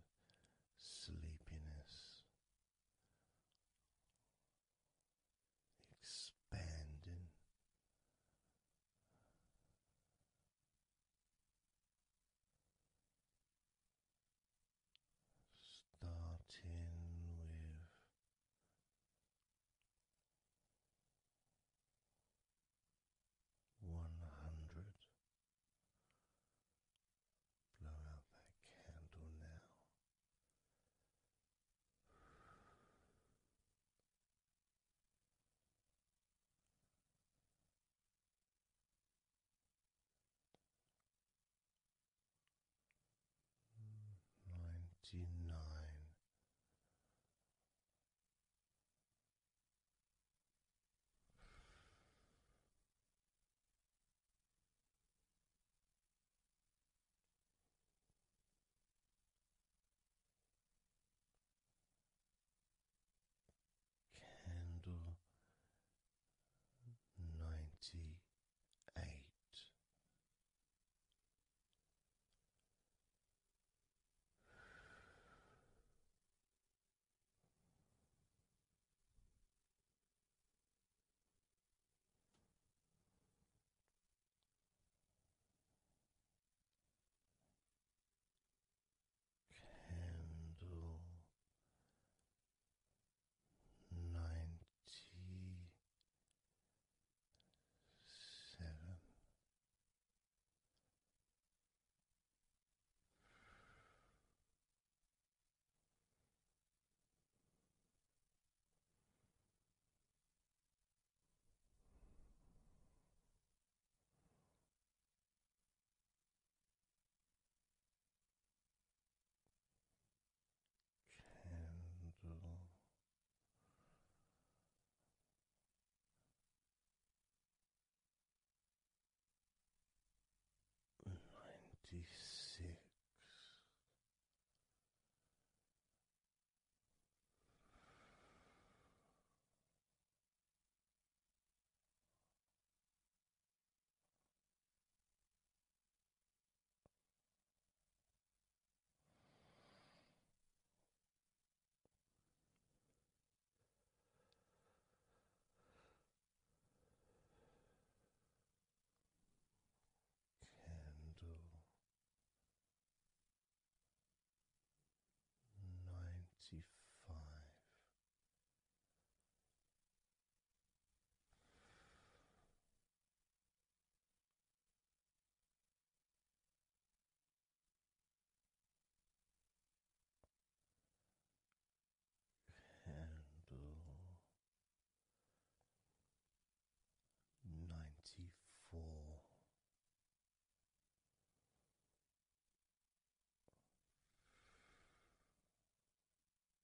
[SPEAKER 1] sleepiness expanding starting with one hundred. Blow out that candle now ninety nine. Candle ninety eight candle ninety seven candle. Ninety six, Candle ninety five. Candle ninety four.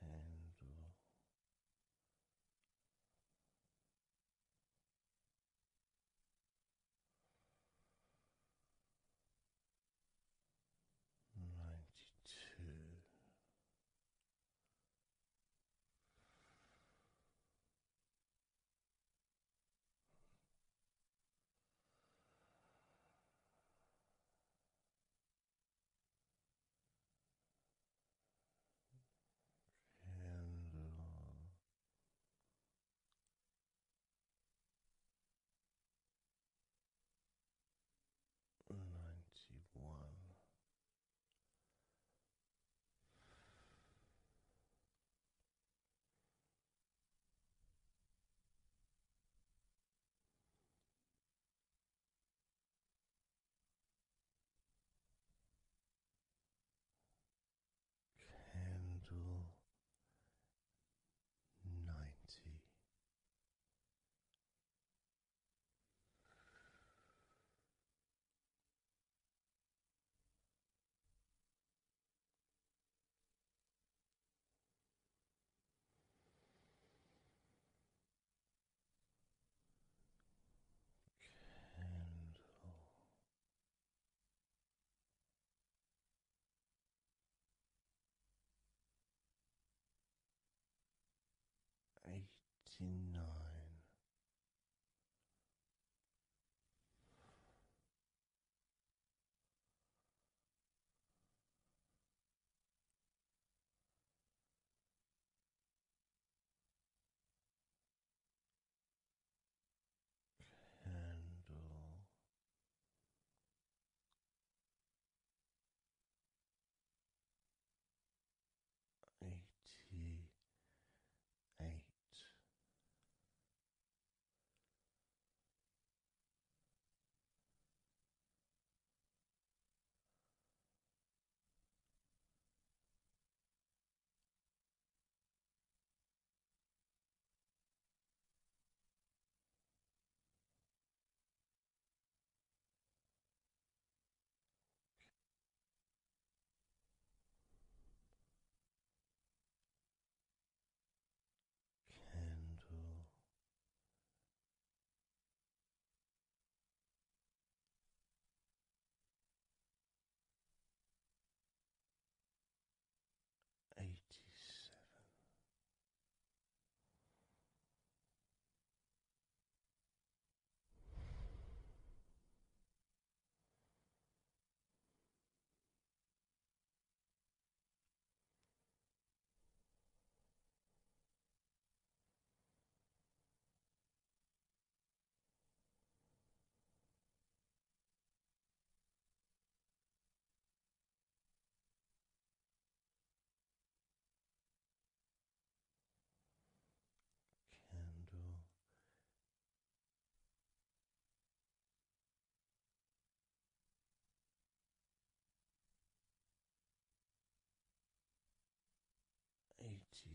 [SPEAKER 1] Candle ninety two. Candle ninety one candle ninety. Candle eighty nine candle. Eighty eight. Candle eighty seven.
[SPEAKER 3] Candle eighty six.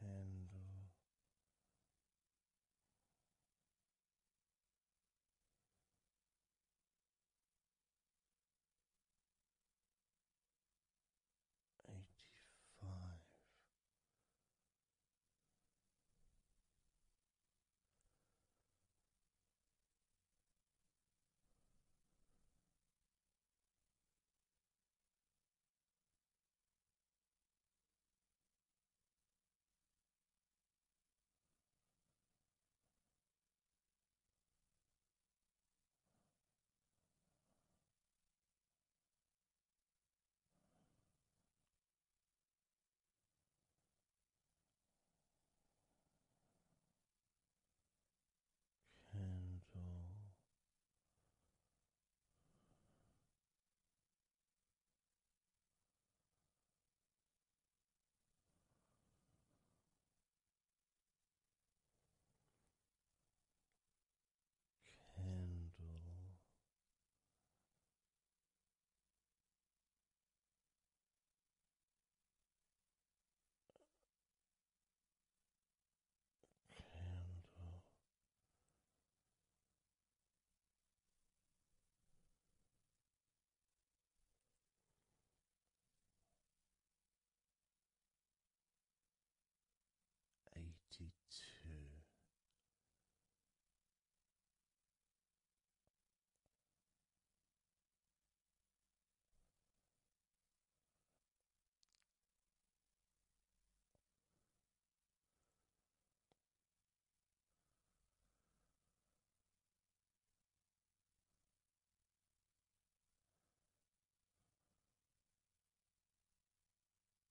[SPEAKER 1] Candle eighty five candle candle. Candle eighty two.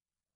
[SPEAKER 1] Handle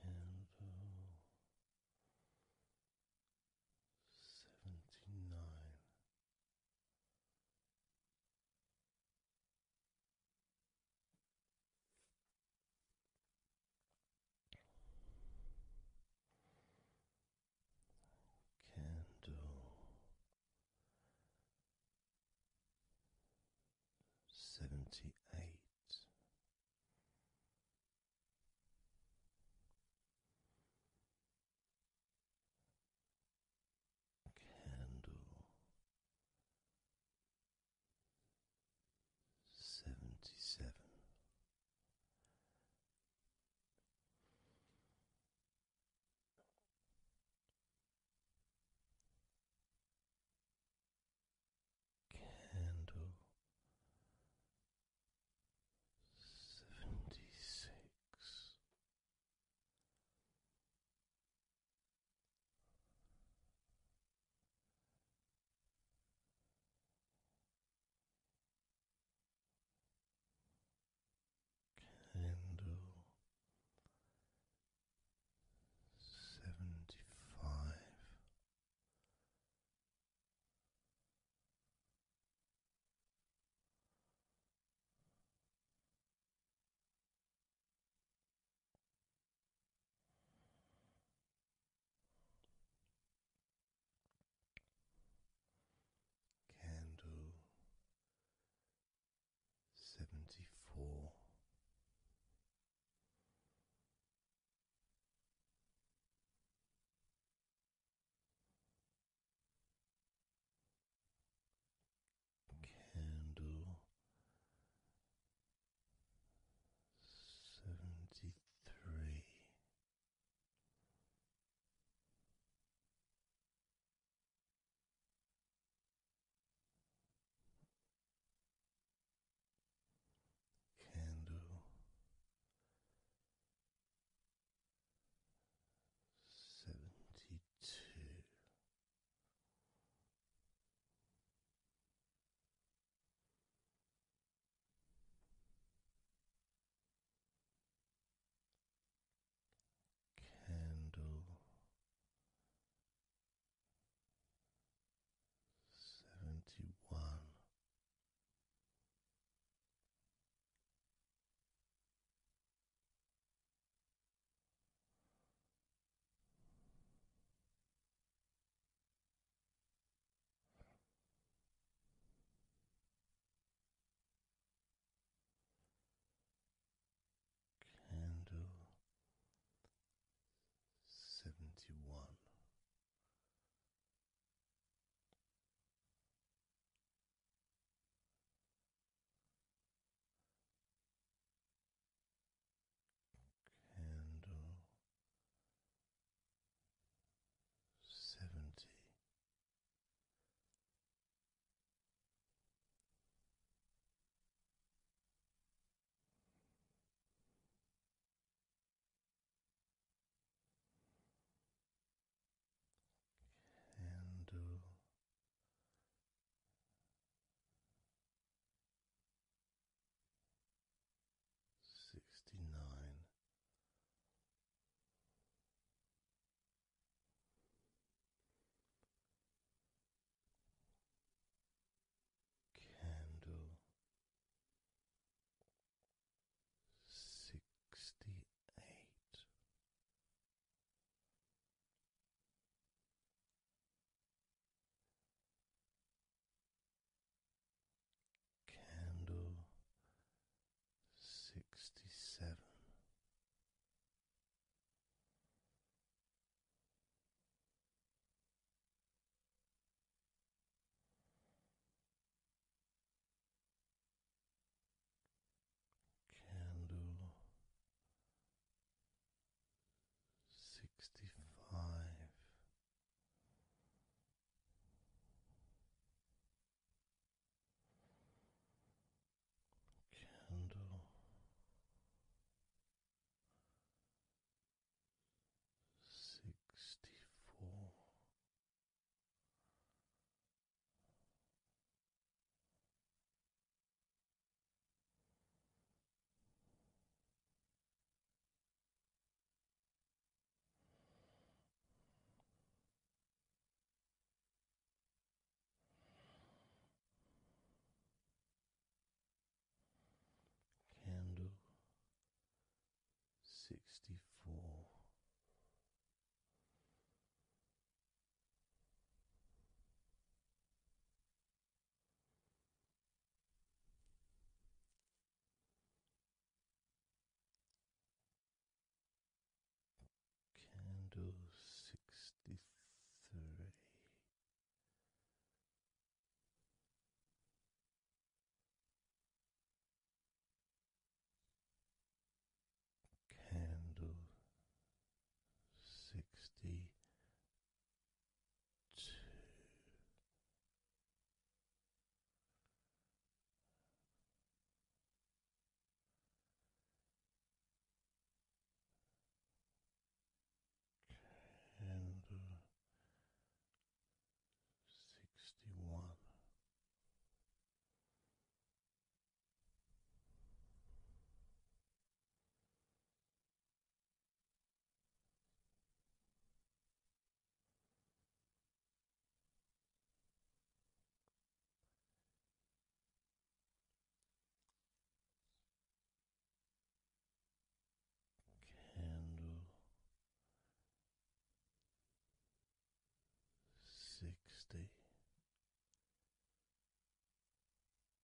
[SPEAKER 1] Candle seventy nine. Candle seventy eight.
[SPEAKER 3] Candle seventy seven. Candle seventy six,
[SPEAKER 1] Candle seventy five. Candle seventy four candle seventy three. Candle seventy two. Candle seventy one. Candle seventy one. Candle seventy. Candle sixty nine. Candle sixty eight Candle sixty seven. Candle sixty five. Candle sixty four, Candle sixty four. Candle sixty three. Candle sixty candle sixty one. Candle sixty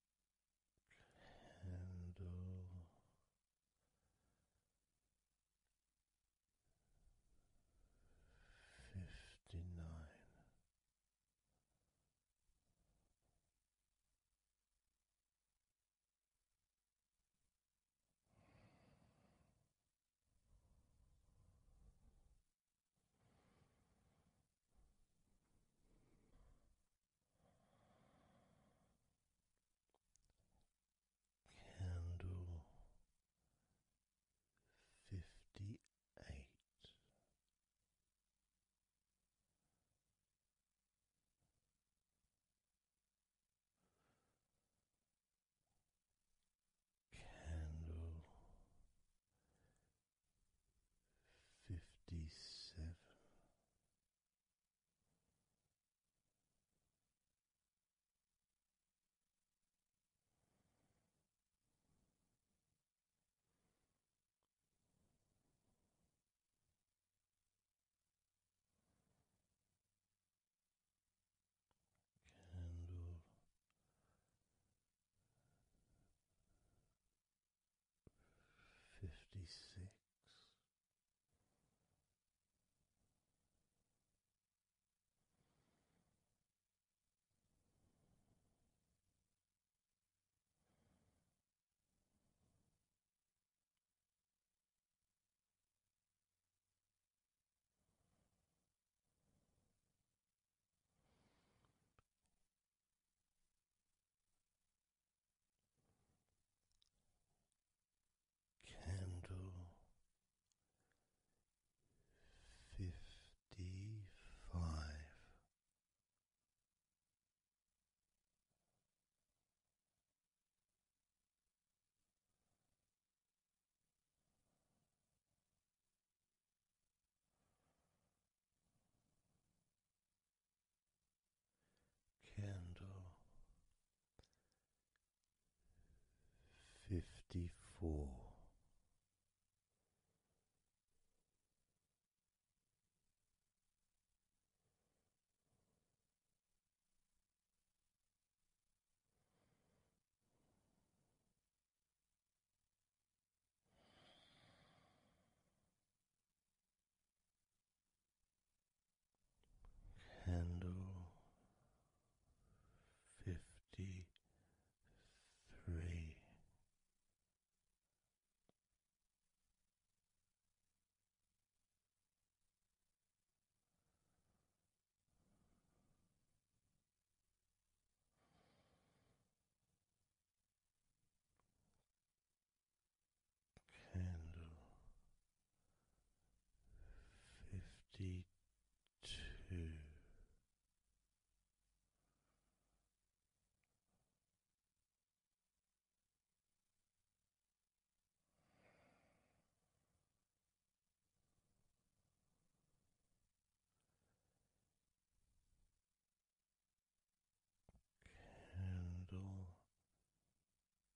[SPEAKER 1] candle uh, fifty nine. Candle fifty eight. Candle fifty seven. Candle fifty six. Candle fifty five candle fifty four. Candle fifty three candle fifty two. Candle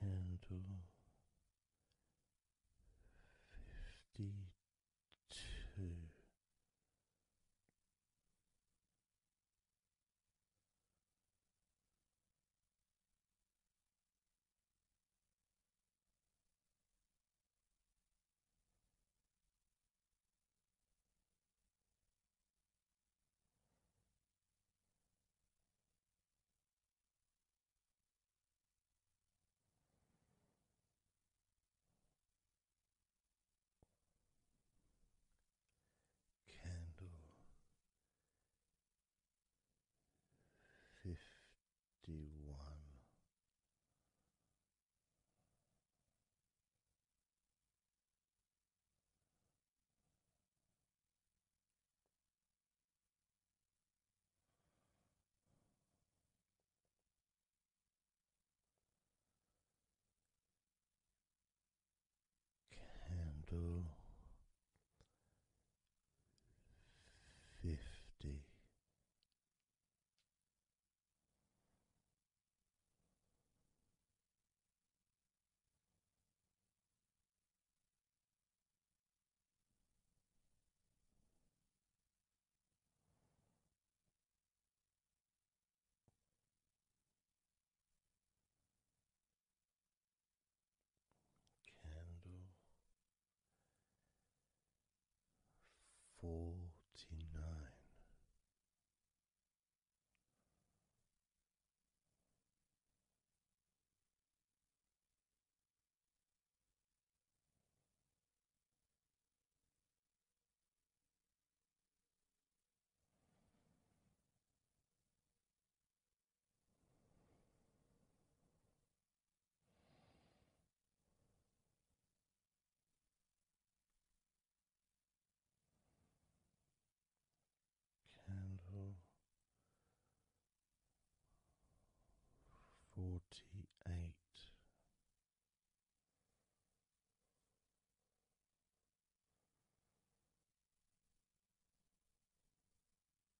[SPEAKER 1] Candle fifty two. Candle fifty D one. Candle fifty Candle forty nine. Candle forty eight.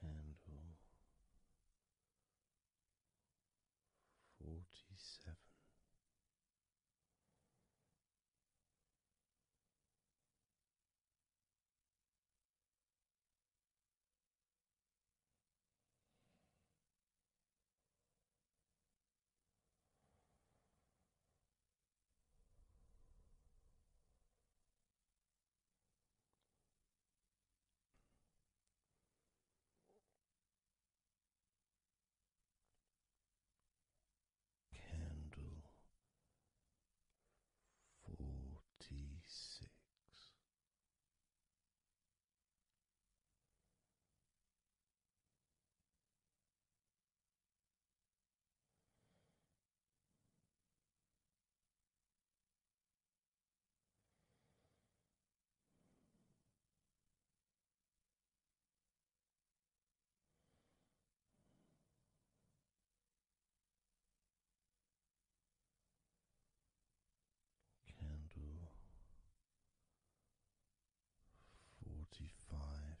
[SPEAKER 1] candle forty seven. Candle forty six. Candle forty five.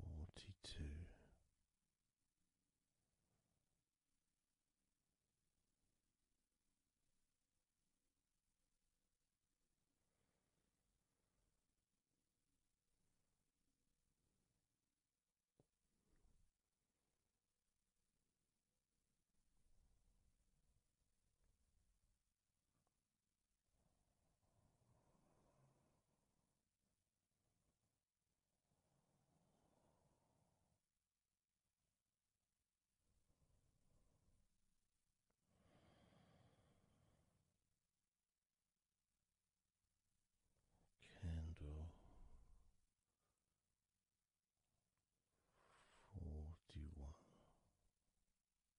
[SPEAKER 1] forty two. Candle forty one.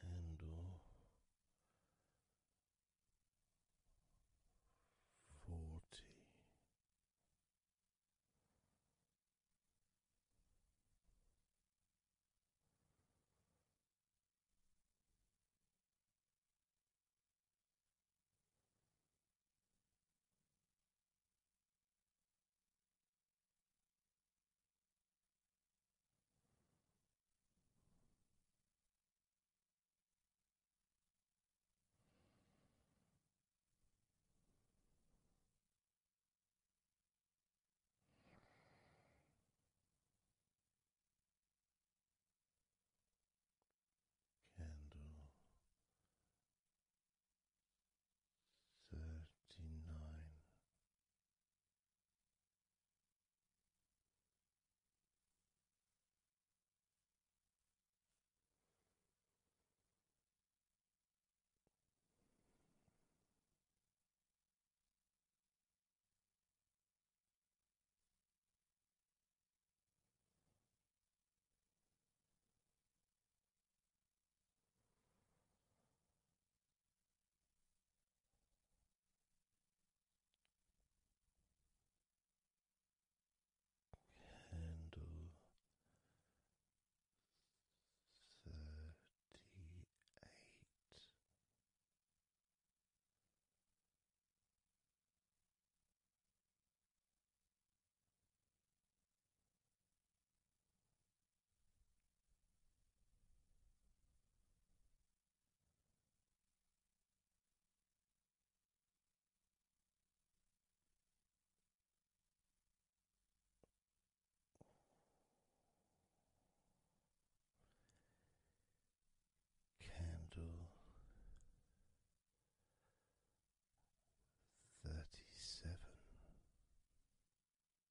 [SPEAKER 1] candle forty. Candle thirty nine.
[SPEAKER 3] Candle thirty eight.
[SPEAKER 1] Candle thirty seven.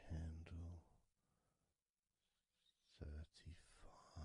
[SPEAKER 1] Candle thirty five.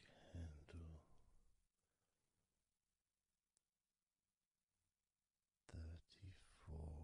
[SPEAKER 1] Candle thirty four.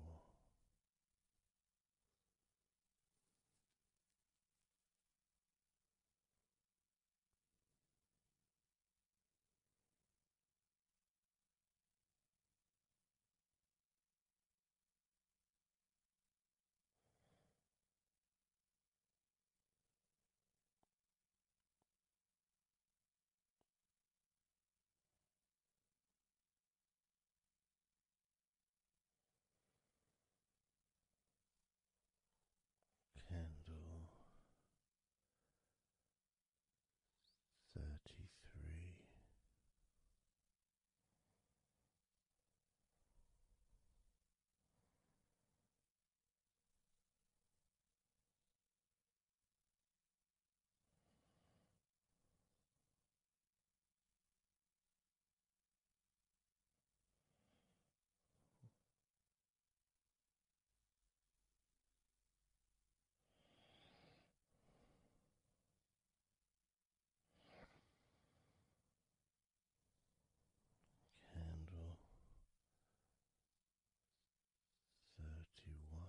[SPEAKER 1] Candle thirty three. Candle thirty one.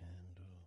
[SPEAKER 1] candle thirty.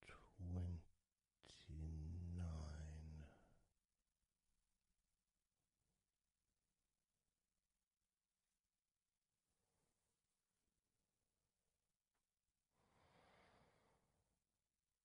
[SPEAKER 1] Candle twenty nine.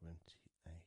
[SPEAKER 1] candle twenty eight.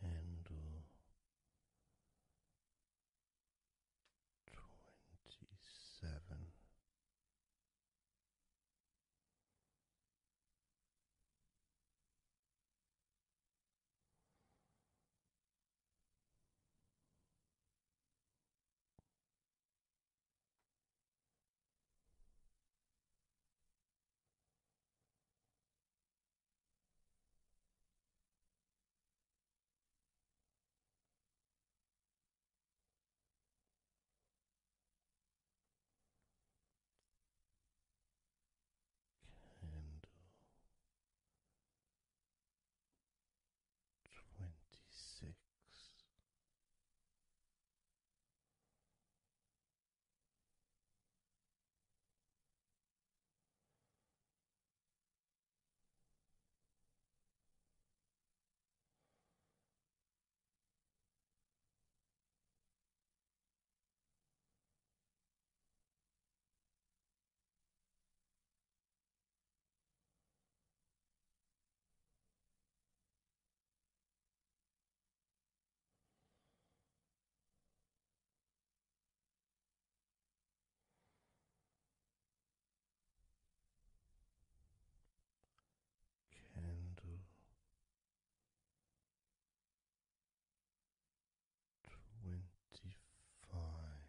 [SPEAKER 1] Candle twenty seven. Candle twenty six. Candle twenty five.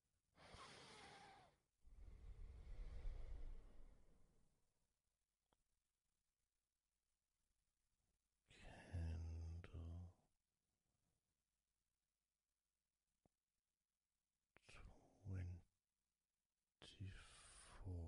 [SPEAKER 1] Candle twenty four.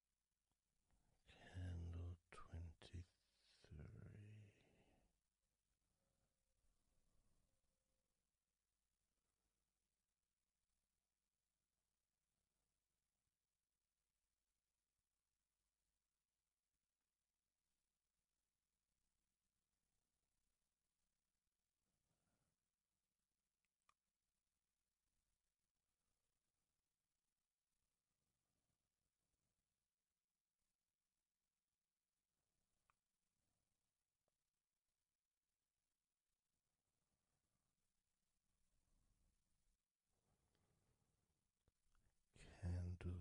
[SPEAKER 1] Candle twenty three. Candle twenty two.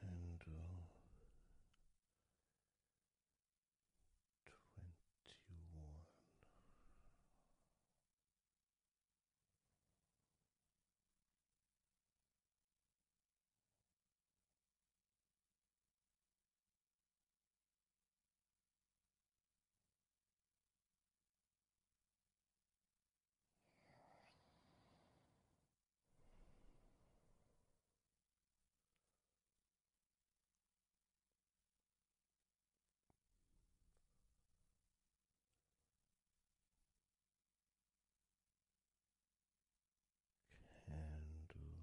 [SPEAKER 1] candle twenty one. Candle twenty.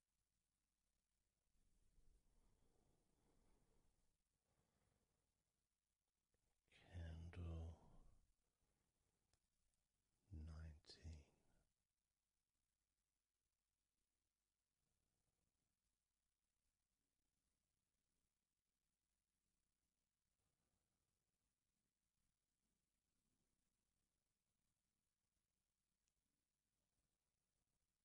[SPEAKER 1] Candle nineteen.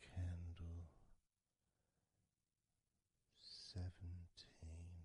[SPEAKER 1] Candle seventeen.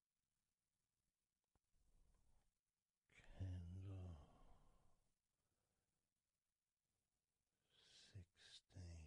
[SPEAKER 1] candle sixteen.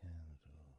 [SPEAKER 2] Candle fourteen.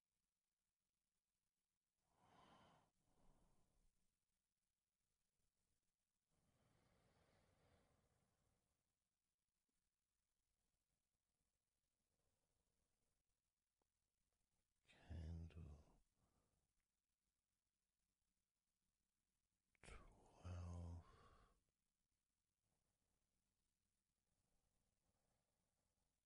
[SPEAKER 2] Candle twelve.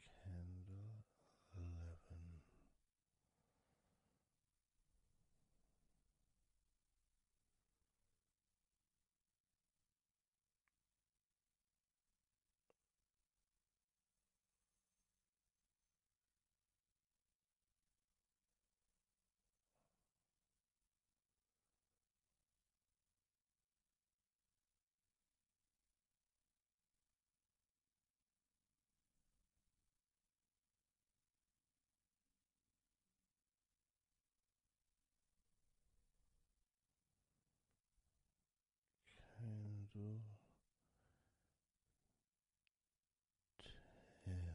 [SPEAKER 1] Candle eleven. Candle ten.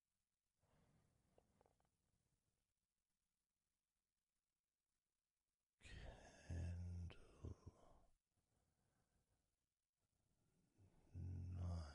[SPEAKER 1] Candle nine.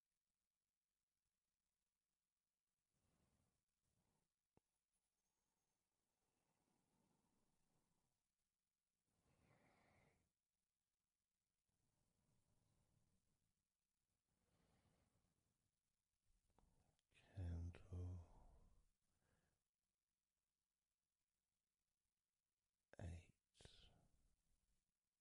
[SPEAKER 1] Candle eight.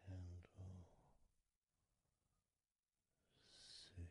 [SPEAKER 1] Candle six.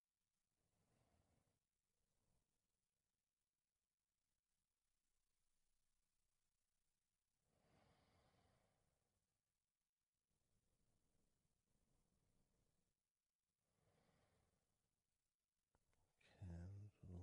[SPEAKER 1] Candle two.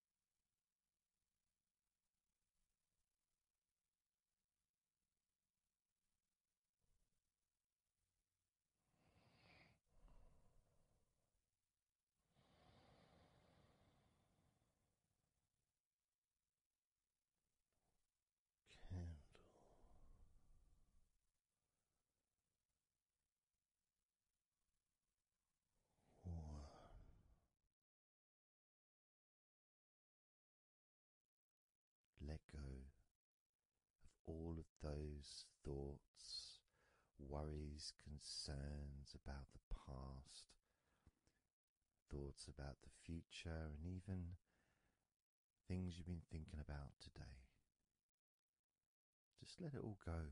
[SPEAKER 1] Candle let go of all of those thoughts, worries, concerns about the past, thoughts about the future, and even things you've been thinking about today. Just let it all go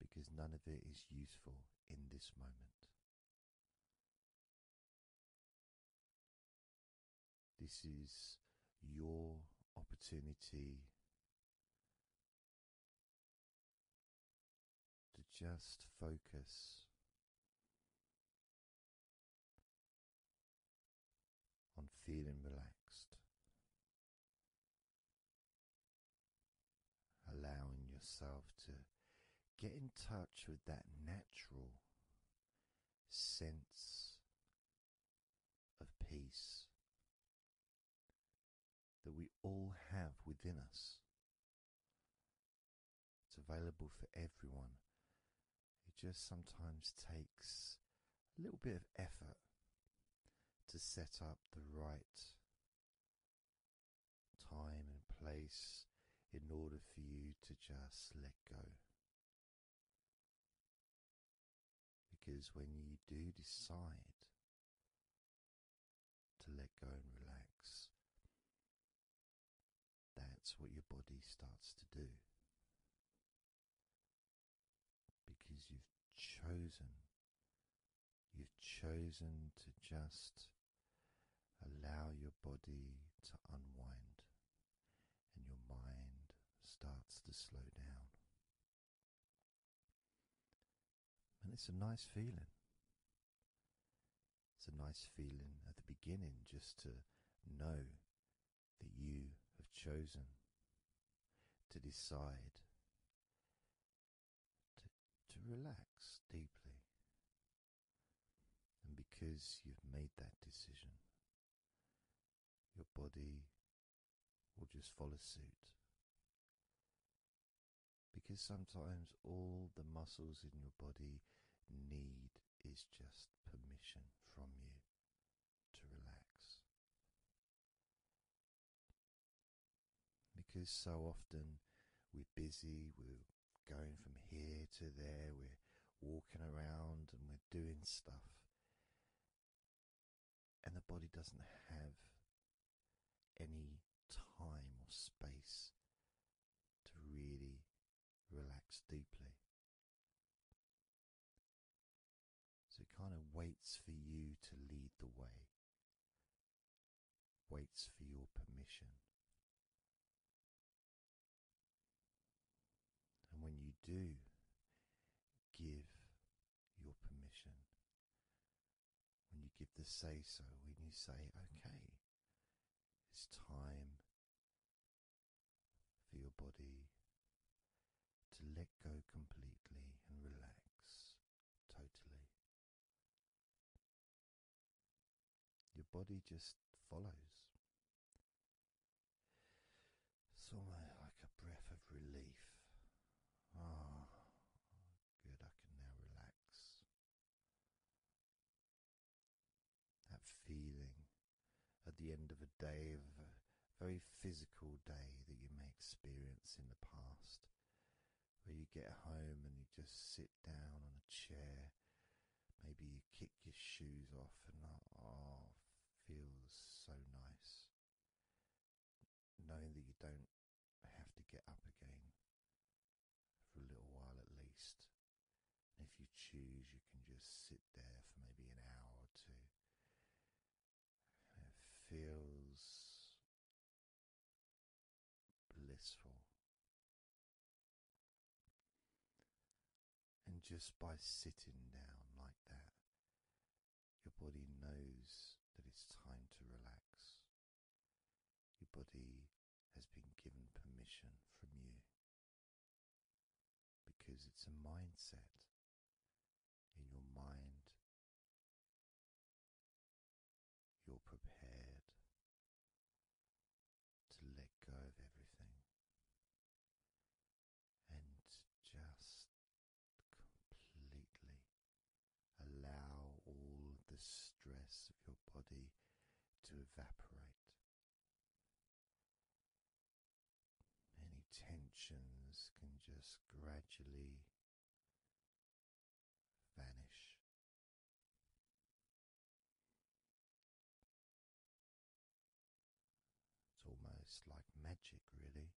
[SPEAKER 1] because none of it is useful in this moment. This is your opportunity to just focus on feeling relaxed Allowing yourself to get in touch with that natural sense of peace that we all have within us. It's available for everyone. It just sometimes takes a little bit of effort to set up the right time and place in order for you to just let go. Because when you do decide to let go and relax, that's what your body starts to do because you've chosen, you've chosen to just allow your body to unwind and your mind starts to slow down. And it's a nice feeling. It's a nice feeling at the beginning just to know that you have chosen to decide to, relax deeply. And because you've made that decision, your body will just follow suit. Because sometimes all the muscles in your body need is just permission from you to relax. Because so often we're busy, we're going from here to there, we're walking around and we're doing stuff, and the body doesn't have any time or space to really relax deeply. So it kind of waits for you to lead the way, waits for your permission. And when you do give your permission, when you give the say so, when you say, okay, it's time for your body to let go completely and relax totally. Your body just follows. It's almost like a breath of relief. Ah, good, I can now relax. That feeling at the end of a day, of a very physical day that you may experience in the past where you get home and you just sit down on a chair. Maybe you kick your shoes off, and oh, feels so nice knowing that you don't have to get up again for a little while at least. if you choose, you can just sit there for maybe an hour or two. it feels blissful. And just by sitting down like that, your body knows that it's time to relax. Your body has been given permission from you because it's a mindset
[SPEAKER 3] in your mind, you're
[SPEAKER 1] prepared to let go of everything and just completely allow all the stress of your body to evaporate. Any tensions can just gradually vanish. It's almost like magic, really.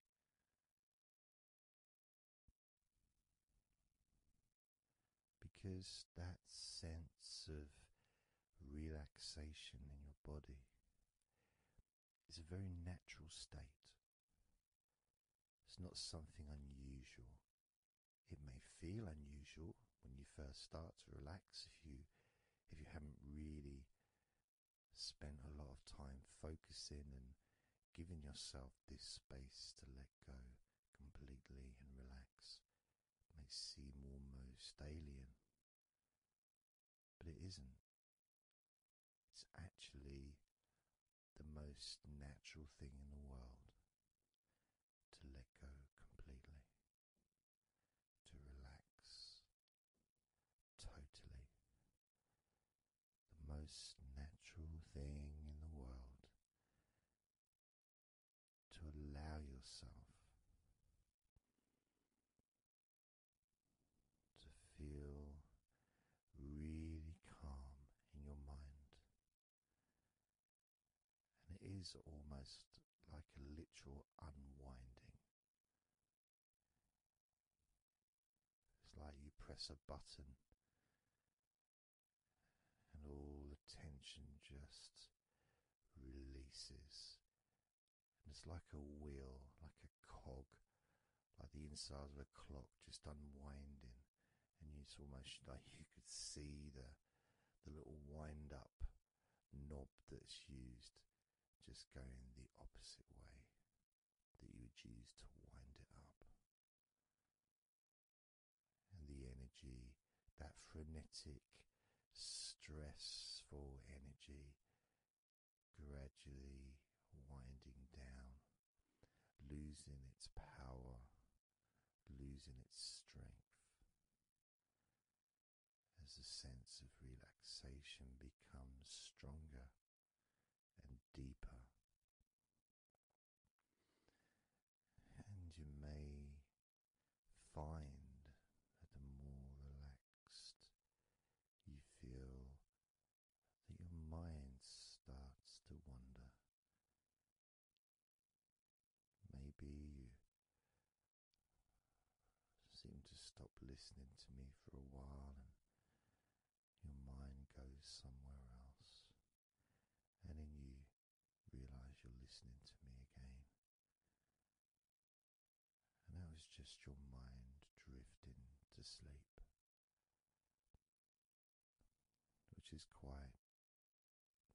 [SPEAKER 1] Because that sense of relaxation in your body is a very natural state. It's not something unusual. It may feel unusual when you first start to relax if you if you haven't really spent a lot of time focusing and giving yourself this space to let go completely and relax. It may seem almost alien, but it isn't. It's actually the most natural thing in the world to let go completely, to relax totally. The most natural thing in the world to allow yourself to feel really calm in your mind. And it is almost like a literal unwinding. It's like you press a button and all the tension just releases. And it's like a wheel, like a cog, like the inside of a clock just unwinding and it's almost like <laughs> you could see the the little wind up knob that's used just going the opposite way that you would use to wind it up. And the energy, that frenetic, stressful energy, gradually winding down losing its power, losing its strength. As the sense of relaxation becomes stronger and deeper, and you may find that the more relaxed you feel, that your mind starts to wander. Maybe you seem to stop listening to me for a while and your mind goes somewhere else, and then you realize you're listening to me again. And that was just your mind drifting to sleep which is quite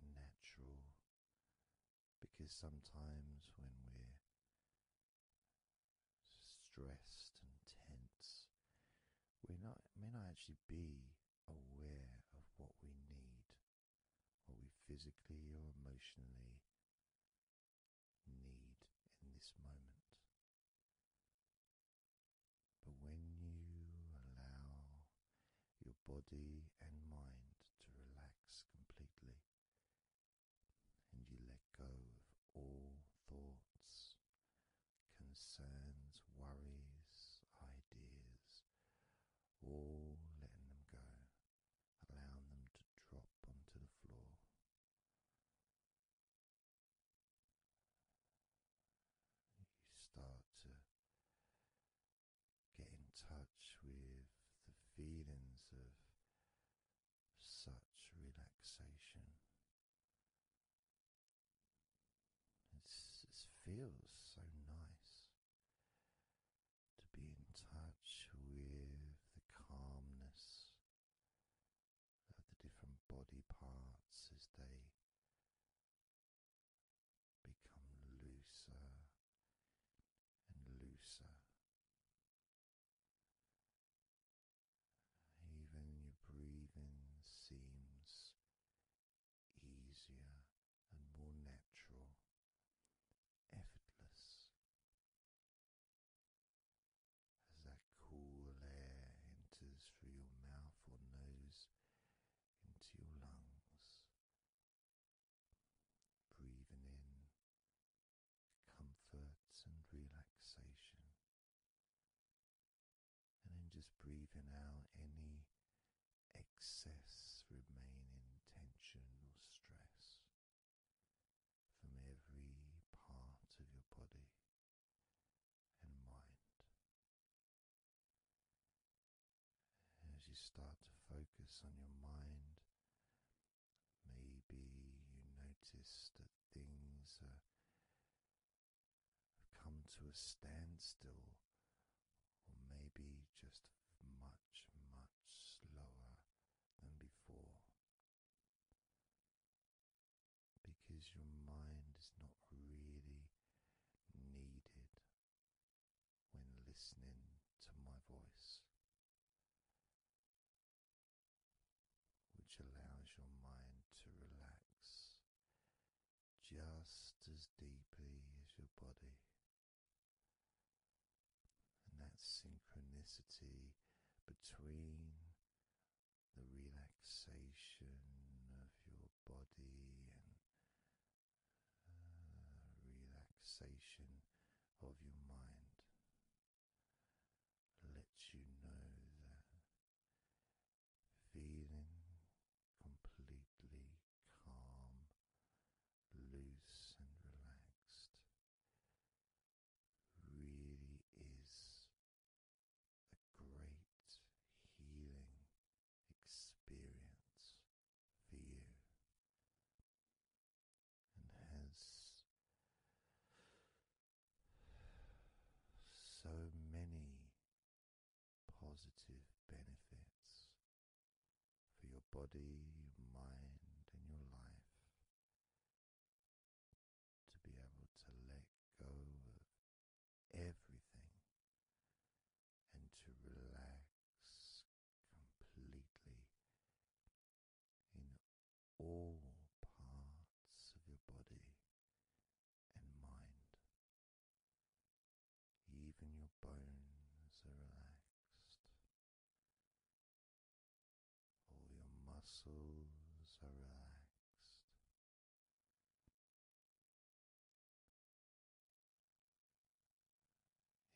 [SPEAKER 1] natural because sometimes when we're stressed and tense, we not may not actually be aware of what we need, what we physically or emotionally need in this moment. But when you allow your body and mind to relax completely, and you let go of all thoughts, concerns, worries, ideas, all letting them go, allowing them to drop onto the floor. You start to get in touch with the feelings of such relaxation. it feels so nice to be in touch with the calmness uh, the different body parts as they become looser and looser. Even your breathing seems easier and more natural, effortless as that cool air enters through your mouth or nose into your lungs. Breathing in comfort and relaxation. And then just breathing out any excess remaining tension or stress from every part of your body and mind. As you start to focus on your mind, maybe you notice that things have come to a standstill, or maybe just much, much slower than before because your mind is not really needed when listening to my voice, which allows your mind to relax just as deeply as your body. And that synchronicity between the relaxation of your body and uh, relaxation of your mind lets you know that feeling completely calm, loose, and relaxed really is a great healing experience for you and has so many positive benefits for your body, your mind, and your life. To be able to let go of everything and to relax completely in all parts of your body and mind. Even your bones are relaxed. All your muscles are relaxed.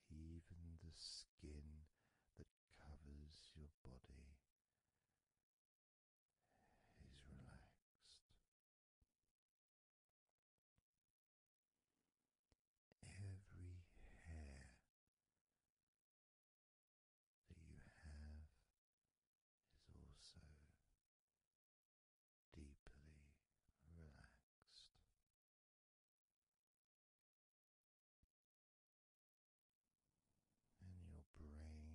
[SPEAKER 1] Even the skin that covers your body is relaxed.
[SPEAKER 3] Every hair that you have is also deeply relaxed.
[SPEAKER 1] And your brain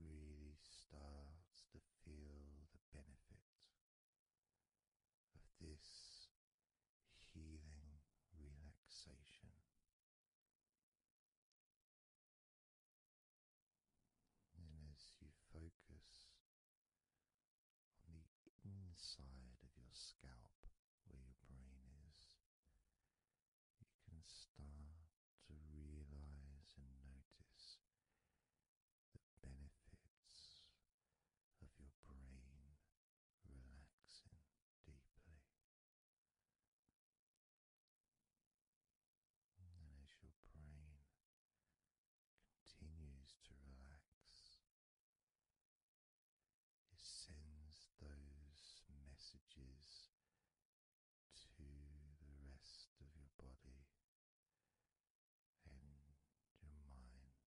[SPEAKER 1] really starts to feel the benefit of this healing relaxation and as you focus on the inside of your scalp where your brain is, you can start to realize and notice the benefits of your brain relaxing deeply. And as your brain continues to relax, it sends those messages to the rest of your body and your mind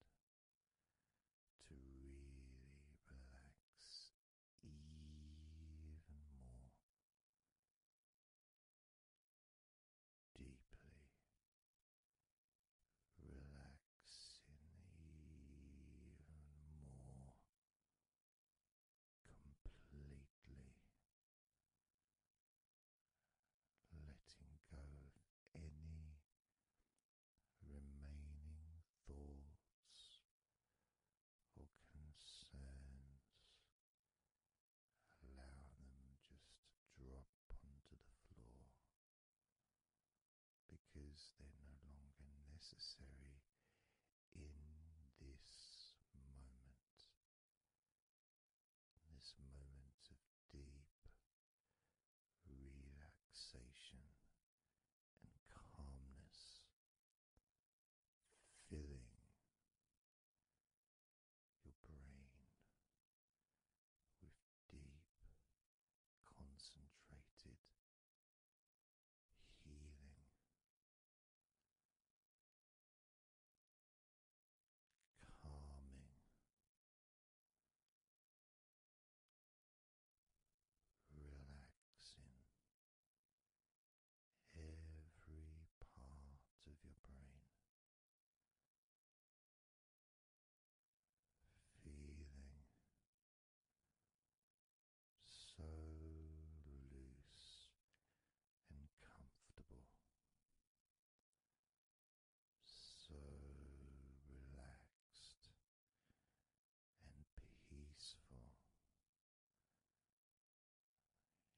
[SPEAKER 1] to really relax even more deeply relaxing
[SPEAKER 3] even more
[SPEAKER 1] completely letting go of any remaining thoughts or concerns, allow them just to drop onto the floor because they're no longer necessary in this moment. This moment of deep relaxation and calmness filling your brain with deep, concentrated
[SPEAKER 3] healing. Calming, relaxing every part of your brain.
[SPEAKER 1] Feeling so loose and comfortable, so relaxed and peaceful.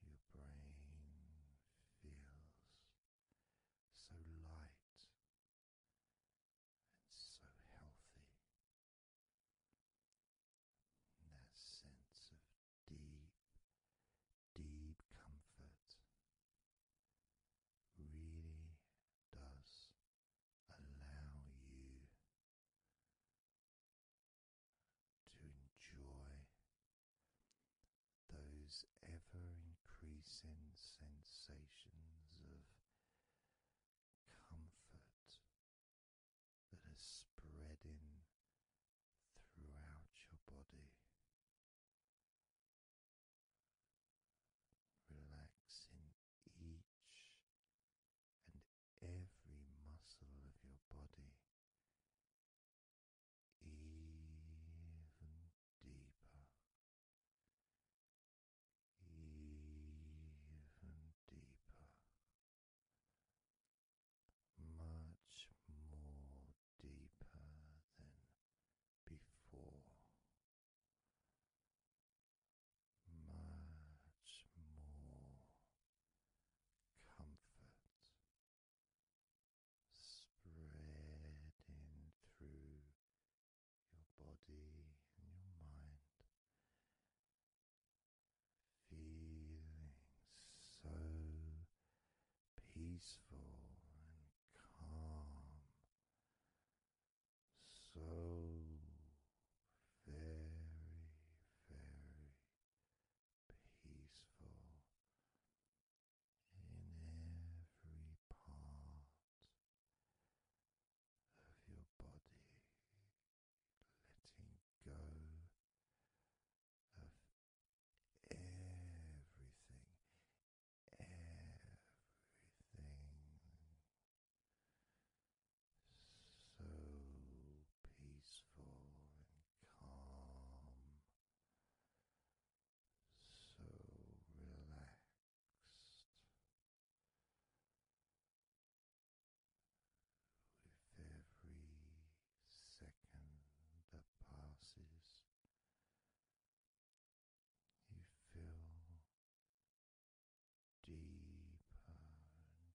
[SPEAKER 1] Your brain feels so light and so healthy. that sense of deep, deep comfort really does allow you to enjoy those ever increasing sensations of comfort that are spreading throughout your body. Relaxing each and every muscle of your body even deeper,
[SPEAKER 3] even deeper, much more
[SPEAKER 1] deeper than before. Much more comfort spreading through your body and your mind. Feeling so peaceful and calm, so very, very peaceful in every part of your body, letting go of everything, everything so peaceful so relaxed. With every second that passes, you feel deeper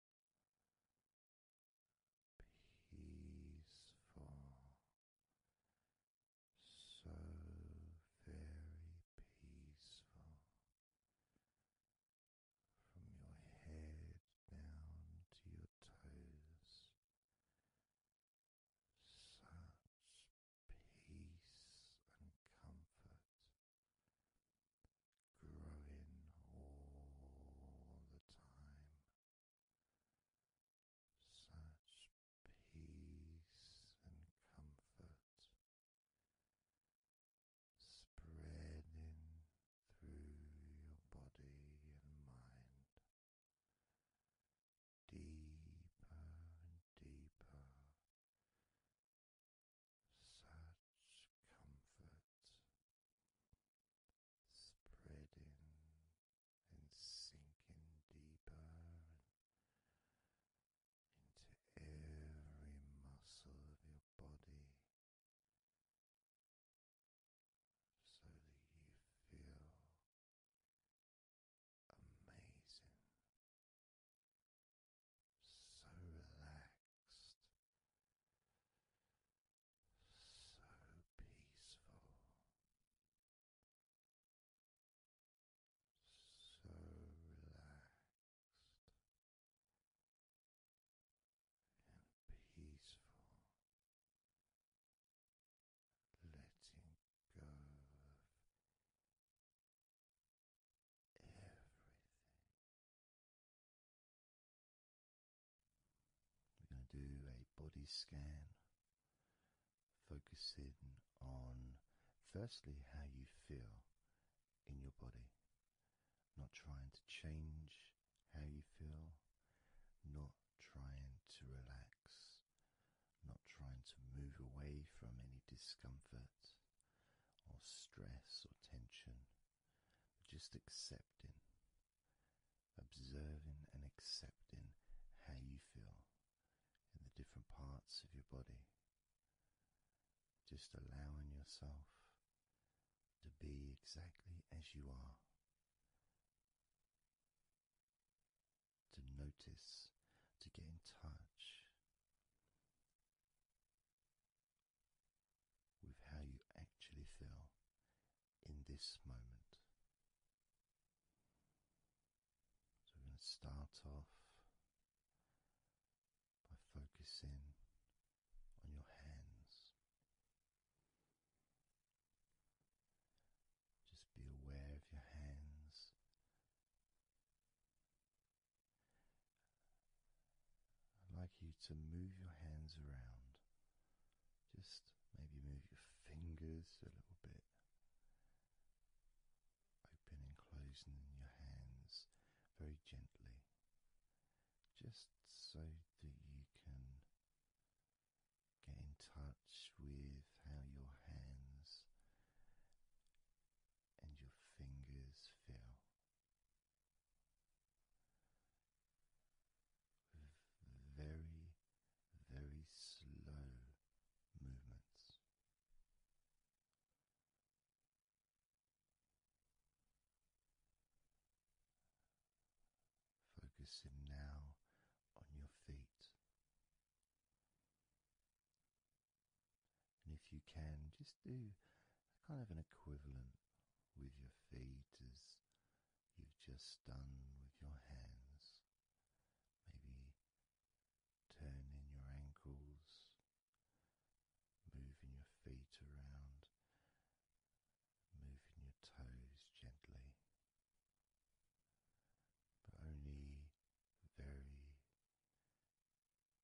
[SPEAKER 1] peaceful, so very peaceful from your head down to your toes. Such peace and comfort growing all the time such peace and comfort spreading through your body and mind deeper and deeper. Such comfort spreading and sinking deeper into every muscle of your body. So
[SPEAKER 3] that you feel amazing, so relaxed, so peaceful, so relaxed and peaceful. Letting go of everything we're going to do a
[SPEAKER 1] body scan, focusing on firstly how you feel in your body, not trying to change how you feel, not trying to relax, not trying to move away from any discomfort or stress or tension, just accepting observing and accepting how you feel in the different parts of your body. Just allowing yourself to be exactly as you are. To notice, to get in touch with how you actually feel in this moment. we're going to start off by focusing on your hands. Just be aware of your hands. I'd like you to move your hands around just maybe move your fingers a little bit, opening and closing your hands very gently, just so that you can get in touch with how your hands and your fingers feel very, very slow movements. Focusing now on your feet. And if you can, just do kind of an equivalent with your feet as you've just done with your hands. Maybe turning your ankles, moving your feet around, moving your toes gently, but only very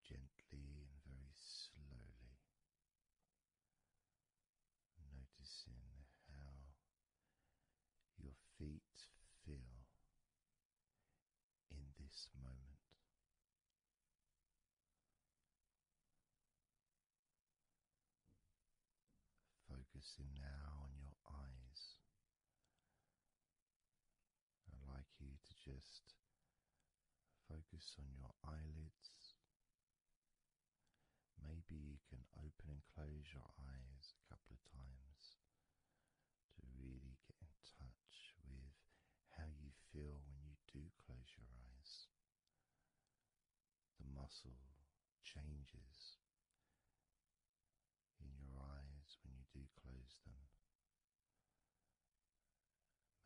[SPEAKER 1] gently and very slowly noticing how your feet feel in this moment. Focusing now on your eyes. I'd like you to just focus on your eyelids Maybe you can open and close your eyes a couple of times to really get in touch with how you feel when you do close your eyes. The muscle changes in your eyes when you do close them.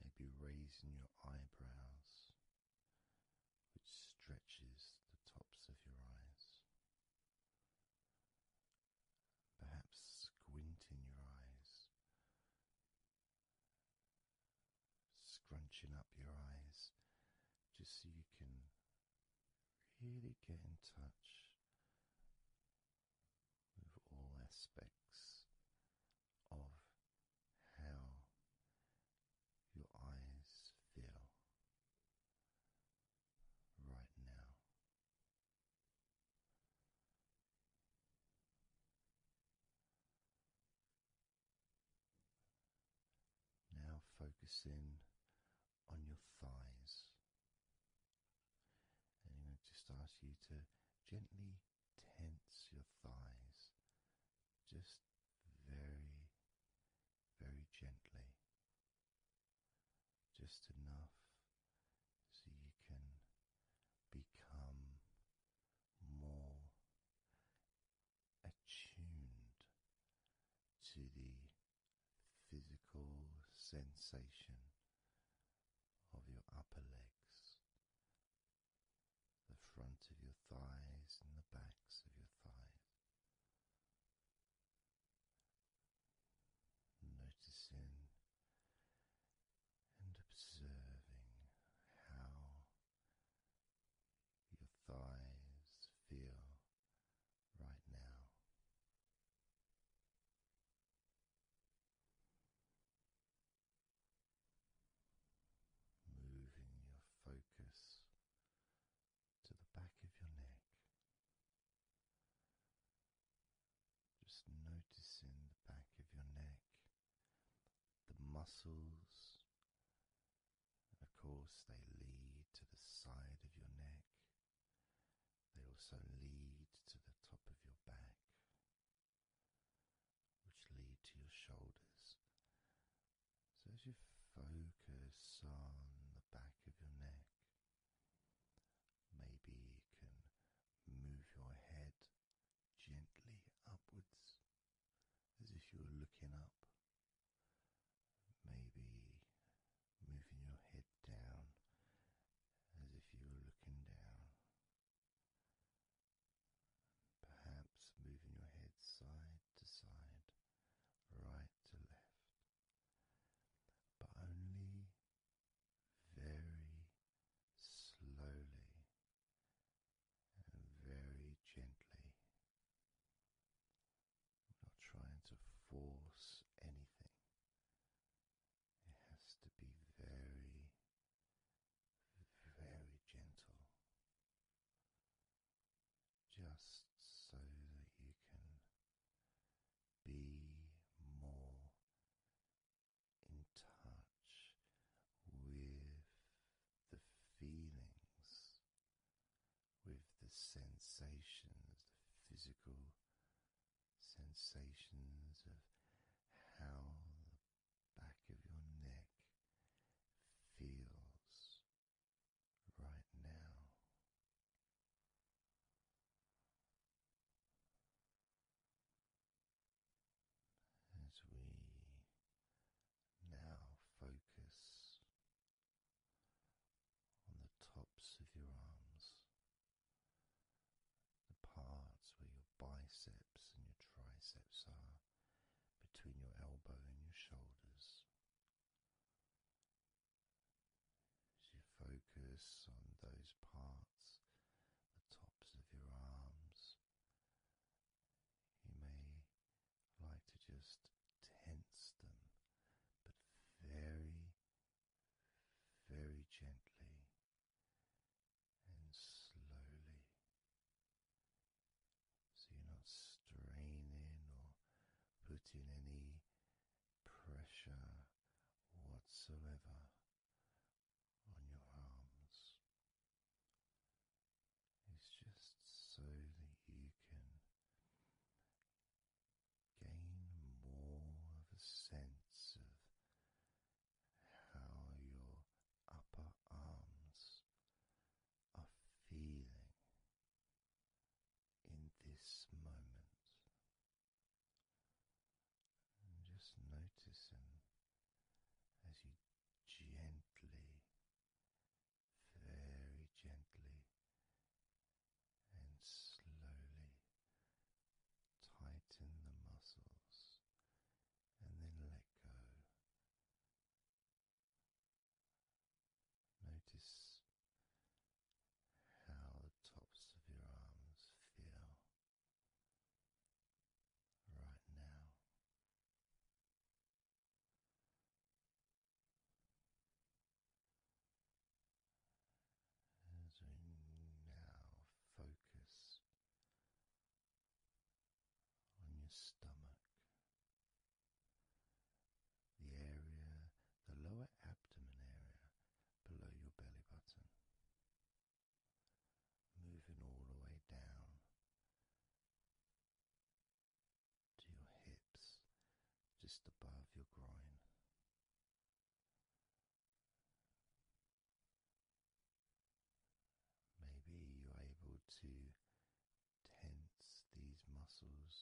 [SPEAKER 1] Maybe raising your eyebrows which stretches the tops of your eyes. Perhaps squinting your eyes, scrunching up your eyes, just so you can really get in touch with all aspects of how your eyes feel right now. Now focus in on your thighs. And I'm just ask you to gently tense your thighs just very very gently, just enough so you can become more attuned to the physical sensation of your upper legs, the front of your thighs, and the backs of your thighs. Noticing and observing how your thighs feel right now. Moving your focus to the back of your neck. Just noticing the back of your neck, the muscles, of course, they lead to the side of your neck, they also lead to the top of your back, which lead to your shoulders so, as you focus on the back of your neck, maybe you can move your head gently upwards as if you were looking up. Maybe moving your head down as if you were looking down. Perhaps moving your head side to side, right to left, but only very slowly and very gently. not trying to force anything. It has to be very, very gentle just so that you can be more in touch with the feelings, with the sensations, the physical sensations of how the back of your neck feels right now. As we now focus on the tops of your arms, the parts where your biceps and your triceps are, between your elbow and your shoulders, as you focus on those parts, the tops of your arms, you may like to just tense them, but very, very gently and slowly so you're not straining or putting any pressure whatsoever on your arms. It's just so that you can gain more of a sense of how your upper arms are feeling in this moment. just noticing as you gently, very gently, and slowly tighten the muscles and then let go. Notice how the tops of your arms feel right now. As we now focus on your stomach, the area, the lower abdomen area below your belly button, moving all the way down to your hips, just above your groin. Maybe you're able to tense these muscles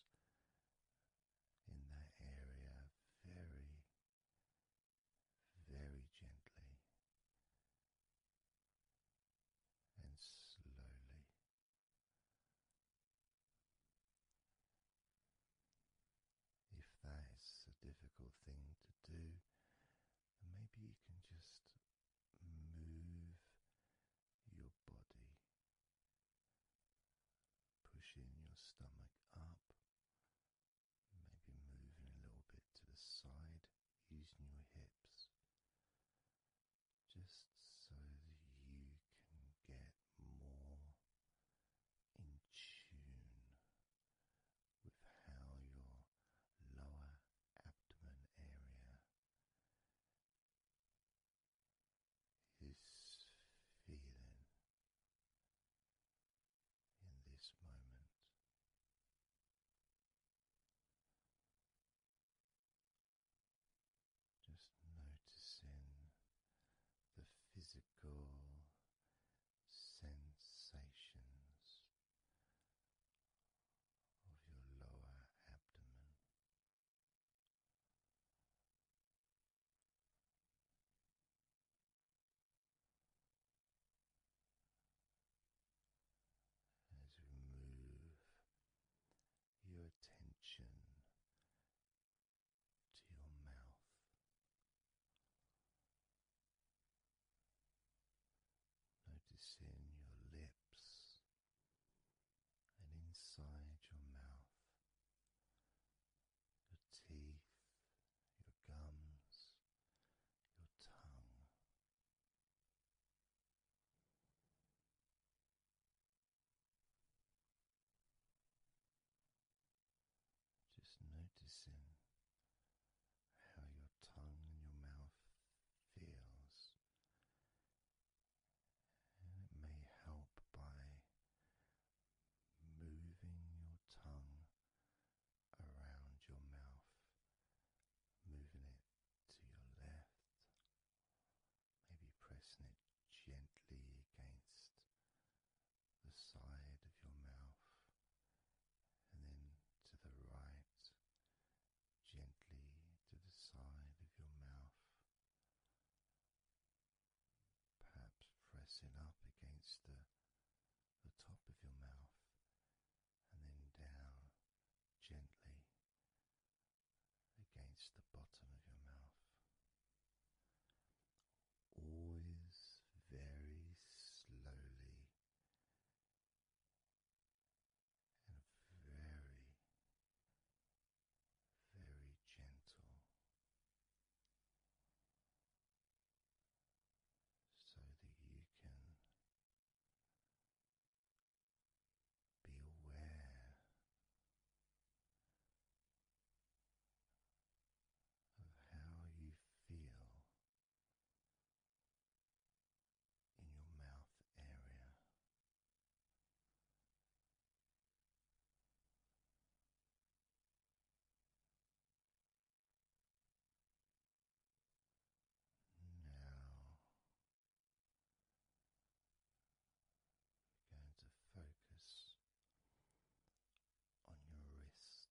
[SPEAKER 1] in that area very, very gently and slowly. If that is a difficult thing to do, maybe you can just move your body pushing your stomach up, maybe moving a little bit to the side using your hips, just so that you can get more in tune with how your lower abdomen area is feeling in this moment. Just noticing the physical sensations of your lower abdomen. As we move your attention to your mouth, noticing your lips and inside your mouth, your teeth, your gums, your tongue. Just noticing how your tongue and your mouth feels it may help by moving your tongue around your mouth, moving it to your left, maybe pressing it gently against the side of your mouth, and then to the right, gently to the side of your mouth perhaps pressing up against the, the top of your mouth and then down gently against the bottom of your mouth. Always very slowly and very very gentle so that you can be aware of how you feel in your mouth area. Now you're going to focus on your wrists.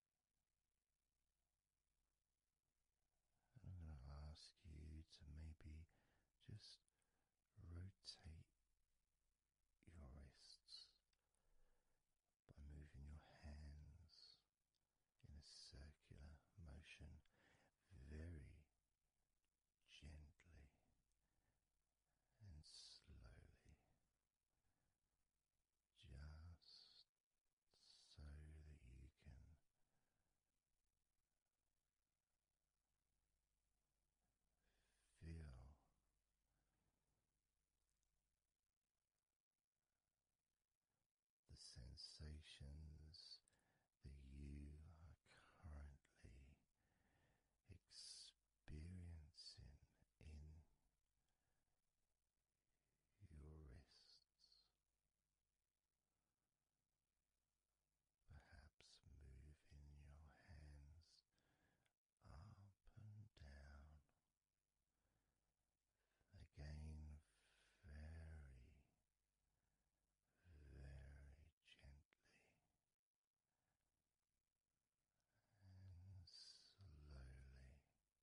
[SPEAKER 1] I'm going to ask you to maybe just rotate your wrists by moving your hands in a circular motion very gently and slowly. Just so that you can feel the sensations that you are currently experiencing in your wrists, perhaps moving your hands up and down. Again, very, very gently and slowly,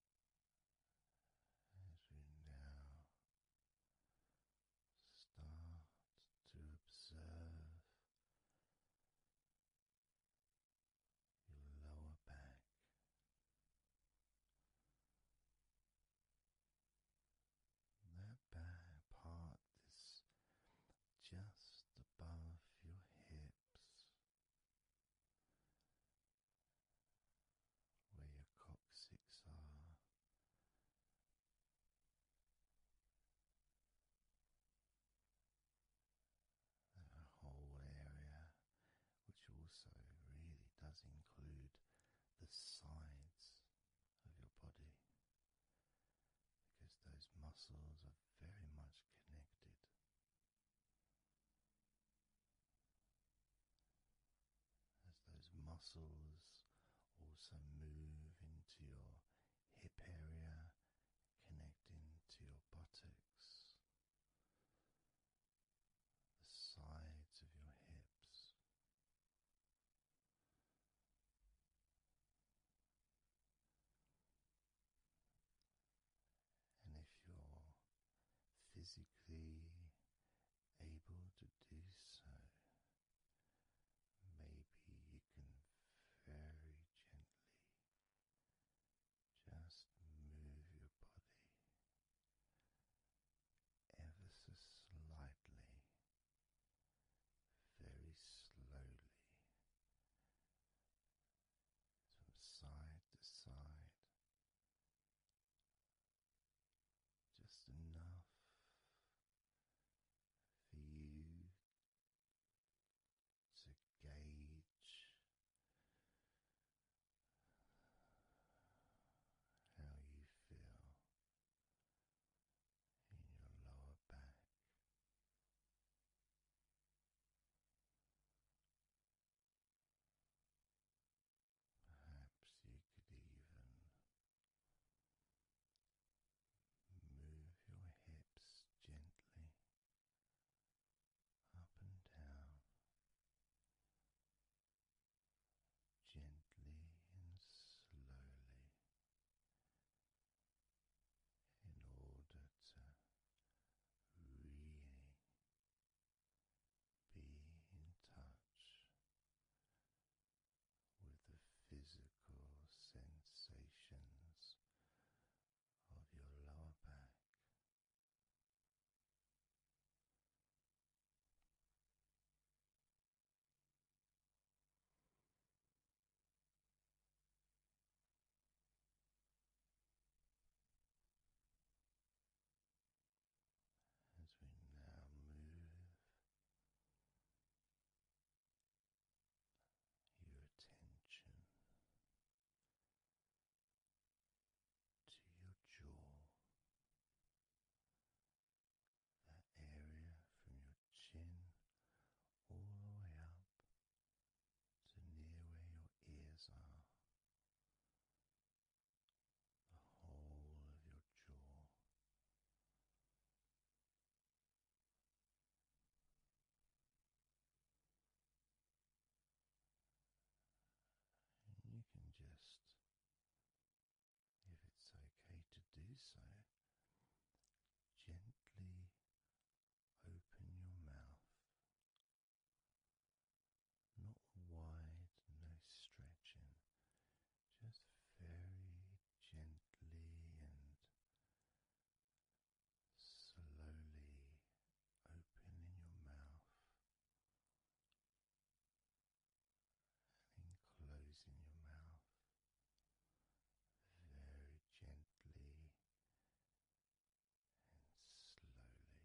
[SPEAKER 1] as we now start to observe your lower back. That back part is just above your hips, where your coccyx are. The whole area, which also really does include the sides of your body, because those muscles are very much connected as those muscles also move into your hip area, connecting to your buttocks, the sides of your hips and if you're physically able to do so, maybe you can very gently just move your body ever so slightly, very slowly. From side to side, just enough for you to gauge how you feel in your lower back. Perhaps you could even move your hips gently up and down, gently and slowly, in order to really be in touch with the physical sensations of your lower back as we now move your attention to your jaw, that area from your chin all the way up to near where your ears are the whole of your jaw. you can just, if it's okay to do so, gently open your mouth not wide, no stretching, just very gently and slowly opening your mouth and closing your mouth very gently and slowly.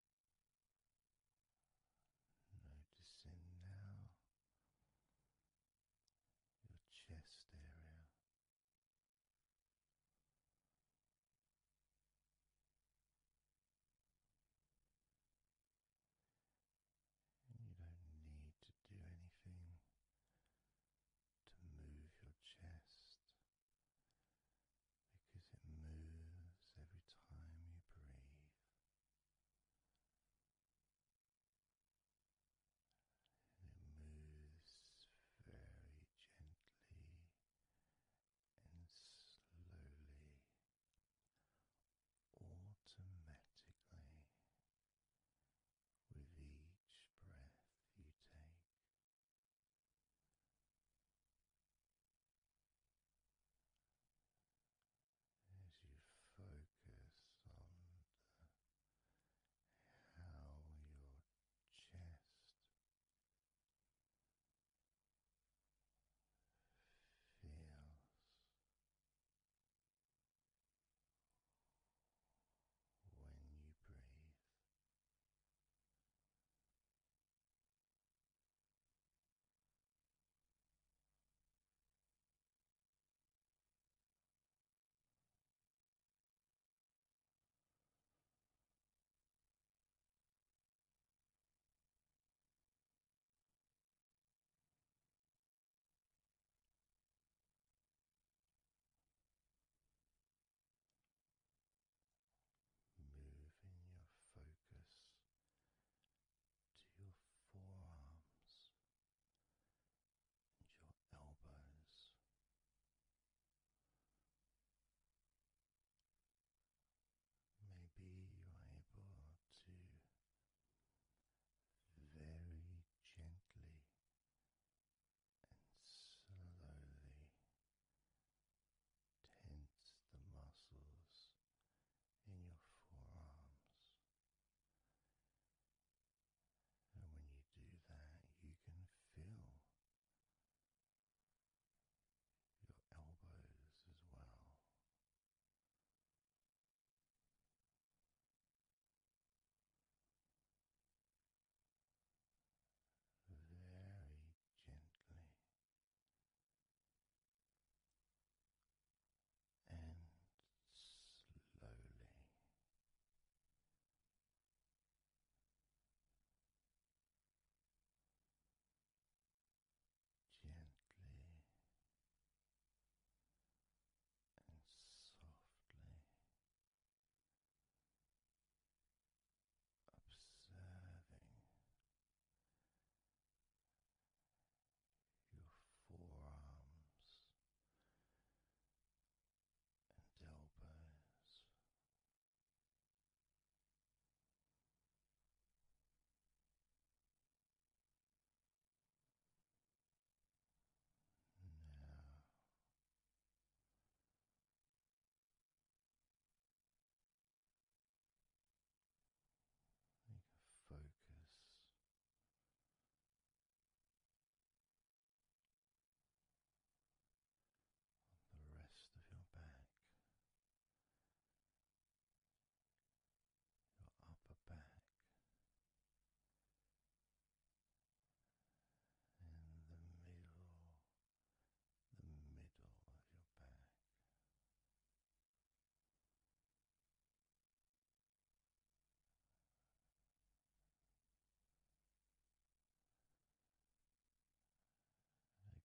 [SPEAKER 1] Noticing now your chest area. And you don't need to do anything to move your chest because it moves every time you breathe gently and slowly, automatically, with each breath you take as you focus on the, how your chest feels. When you breathe, Moving your focus to your forearms and your elbows. Maybe you're able to very gently and slowly tense the muscles in your forearms. And when you do that, you can feel your elbows as well. Very gently and slowly. Gently and softly observing your forearms and elbows. Now focus on the rest of your back, your upper back. And the middle, the middle of your back,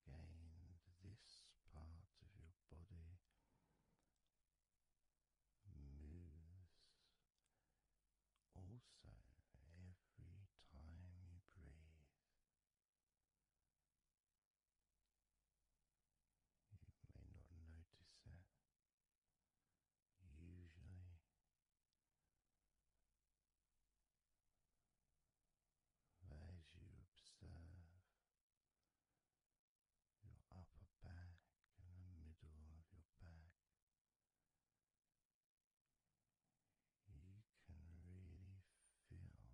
[SPEAKER 1] Again, this part of your body moves also every time you breathe. You may not notice that. Usually, as you observe your upper back and the middle of your back, you can really feel that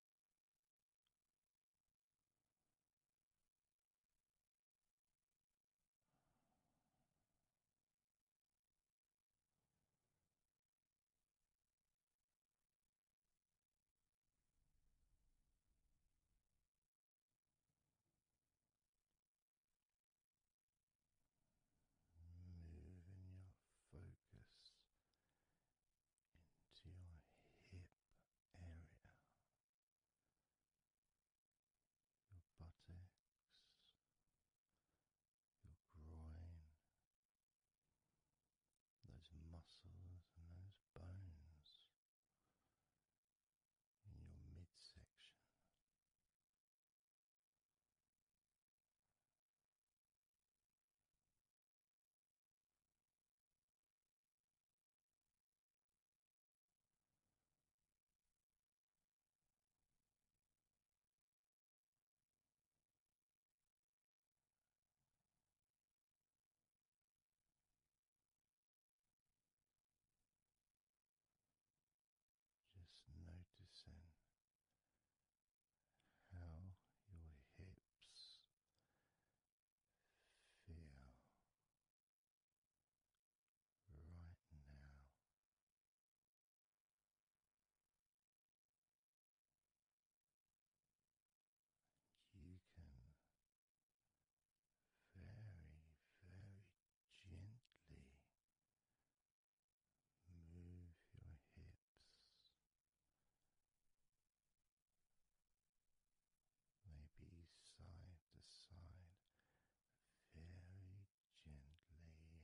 [SPEAKER 1] Moving your focus into your hip area, your buttocks, your groin, those muscles and those bones in your midsection. Just noticing how your hips feel right now. You can very, very gently move your hips maybe side to side, very gently and slowly.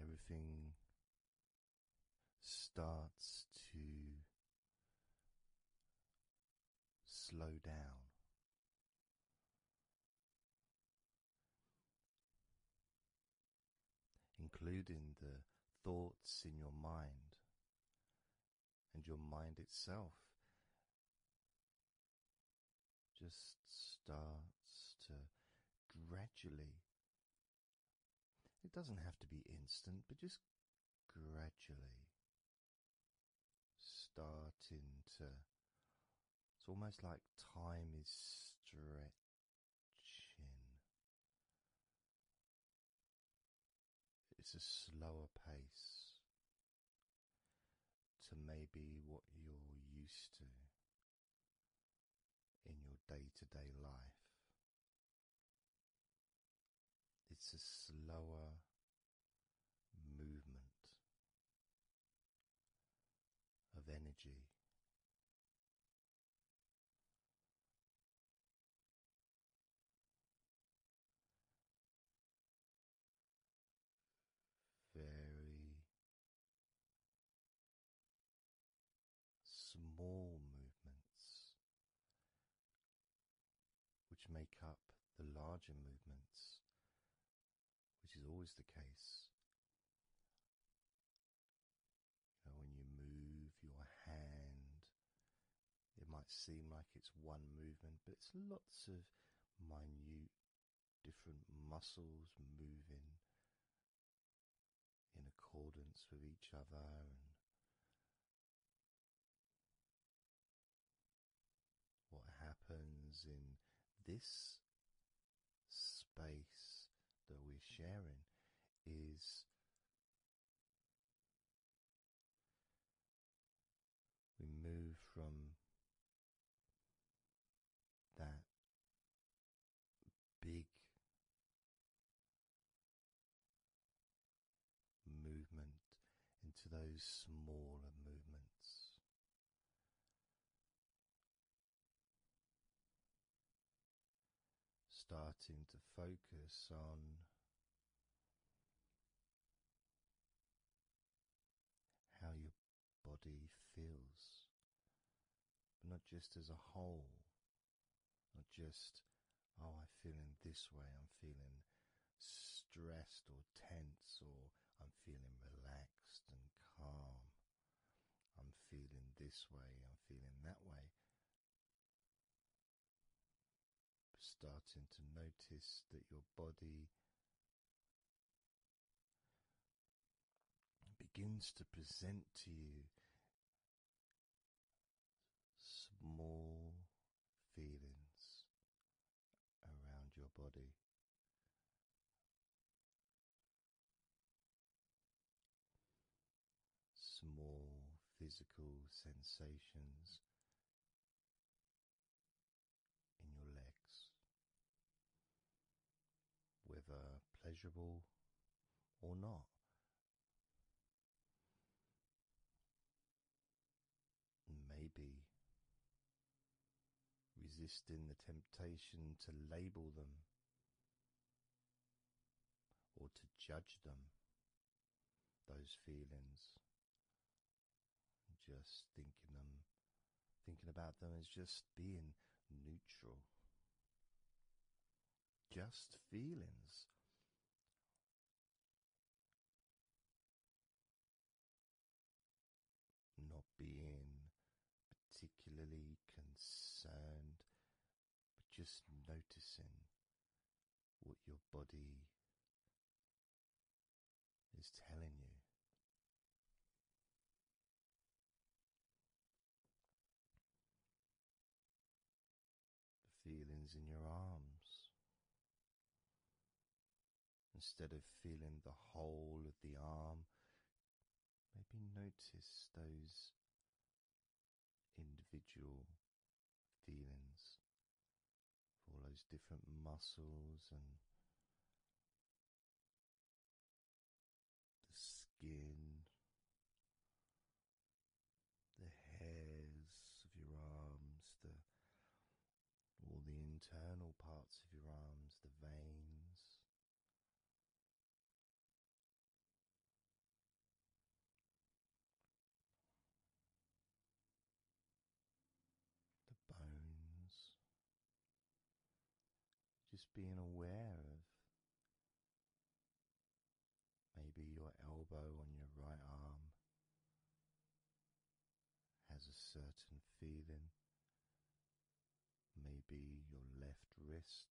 [SPEAKER 1] Everything starts to slow down. Including the thoughts in your mind and your mind itself just starts to gradually. It doesn't have to be instant, but just gradually starting to. It's almost like time is stretching it's a slower pace to maybe what you're used to in your day to day life. It's a slower movement of energy very small movements which make up the larger movements, which is always the case. when you move your hand it might seem like it's one movement, but it's lots of minute different muscles moving in accordance with each other and what happens in this space that we're sharing is we move from that big movement into those smaller movements. Starting to focus on how your body feels, not just as a whole, not just, oh, I'm feeling this way, I'm feeling stressed or tense, or I'm feeling relaxed and calm, I'm feeling this way, I'm feeling that way starting to notice that your body begins to present to you small feelings around your body. Small physical sensations in your legs, whether pleasurable or not. Maybe resisting the temptation to label them or to judge them, those feelings, just thinking them, um, thinking about them is just being neutral. Just feelings. Not being particularly concerned, but just noticing what your body is telling you. The feelings in your arms. Instead of feeling the whole of the arm, maybe notice those individual feelings all those different muscles and the skin, the hairs of your arms, the all the internal parts of your arms, the veins the bones, just being aware of maybe your elbow on your right arm has a certain feeling, maybe your left wrist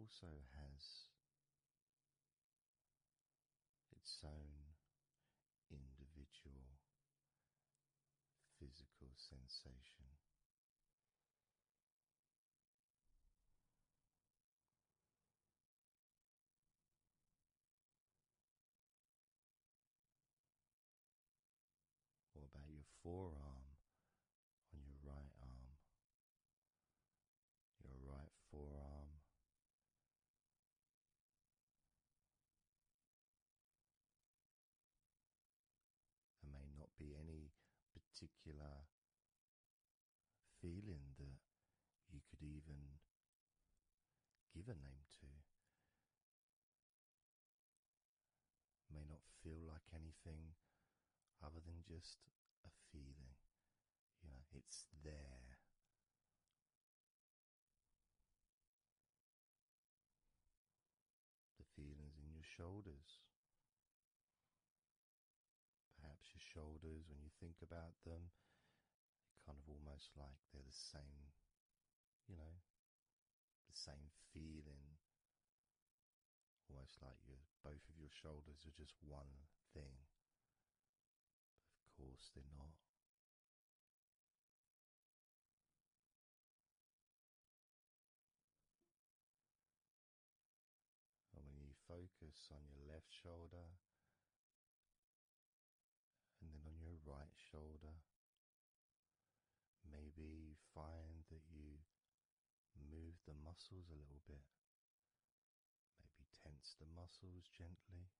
[SPEAKER 1] also has its own individual physical sensation. What about your forearm on your right arm? Your right forearm there may not be any particular feeling that you could even give a name to. It may not feel like anything other than just a feeling. You know, it's there the feelings in your shoulders. Perhaps your shoulders, when you think about them, kind of almost like they're the same, you know, the same feeling. Almost like your both of your shoulders are just one thing. Of course they're not. And when you focus on your left shoulder and then on your right shoulder, maybe you find that you move the muscles a little bit, maybe tense the muscles gently.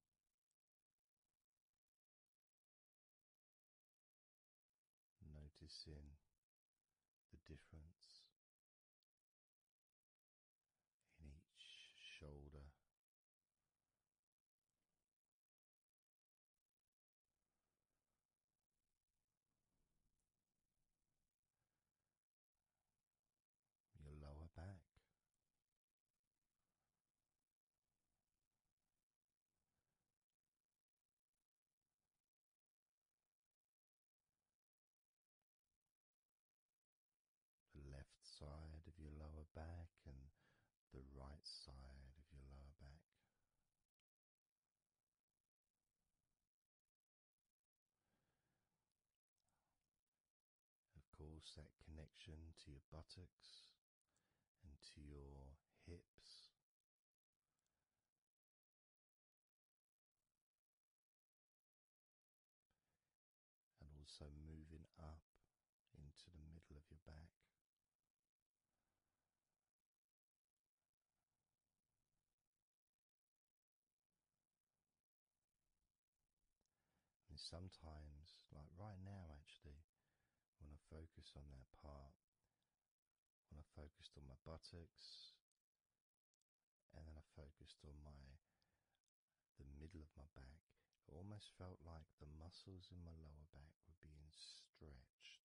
[SPEAKER 1] Noticing the difference in each shoulder, your lower back the left side of your lower back and the right side of your lower back. Of course, that connection to your buttocks and to your hips. And also moving up into the middle of your back. And sometimes, like right now, actually, when I focused on that part, when I focused on my buttocks, and then I focused on my the middle of my back, it almost felt like the muscles in my lower back were being stretched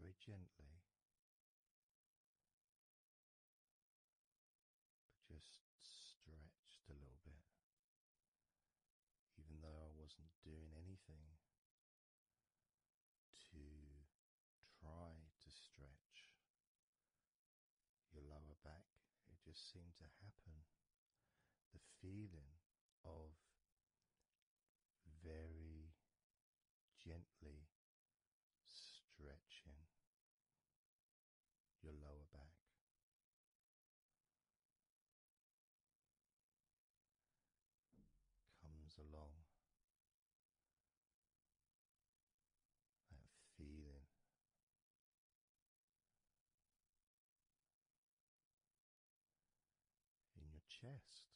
[SPEAKER 1] very gently. just stretched a little bit, even though I wasn't doing anything to try to stretch your lower back, it just seemed to happen. The feeling of very gently stretching your lower back comes along. That feeling in your chest.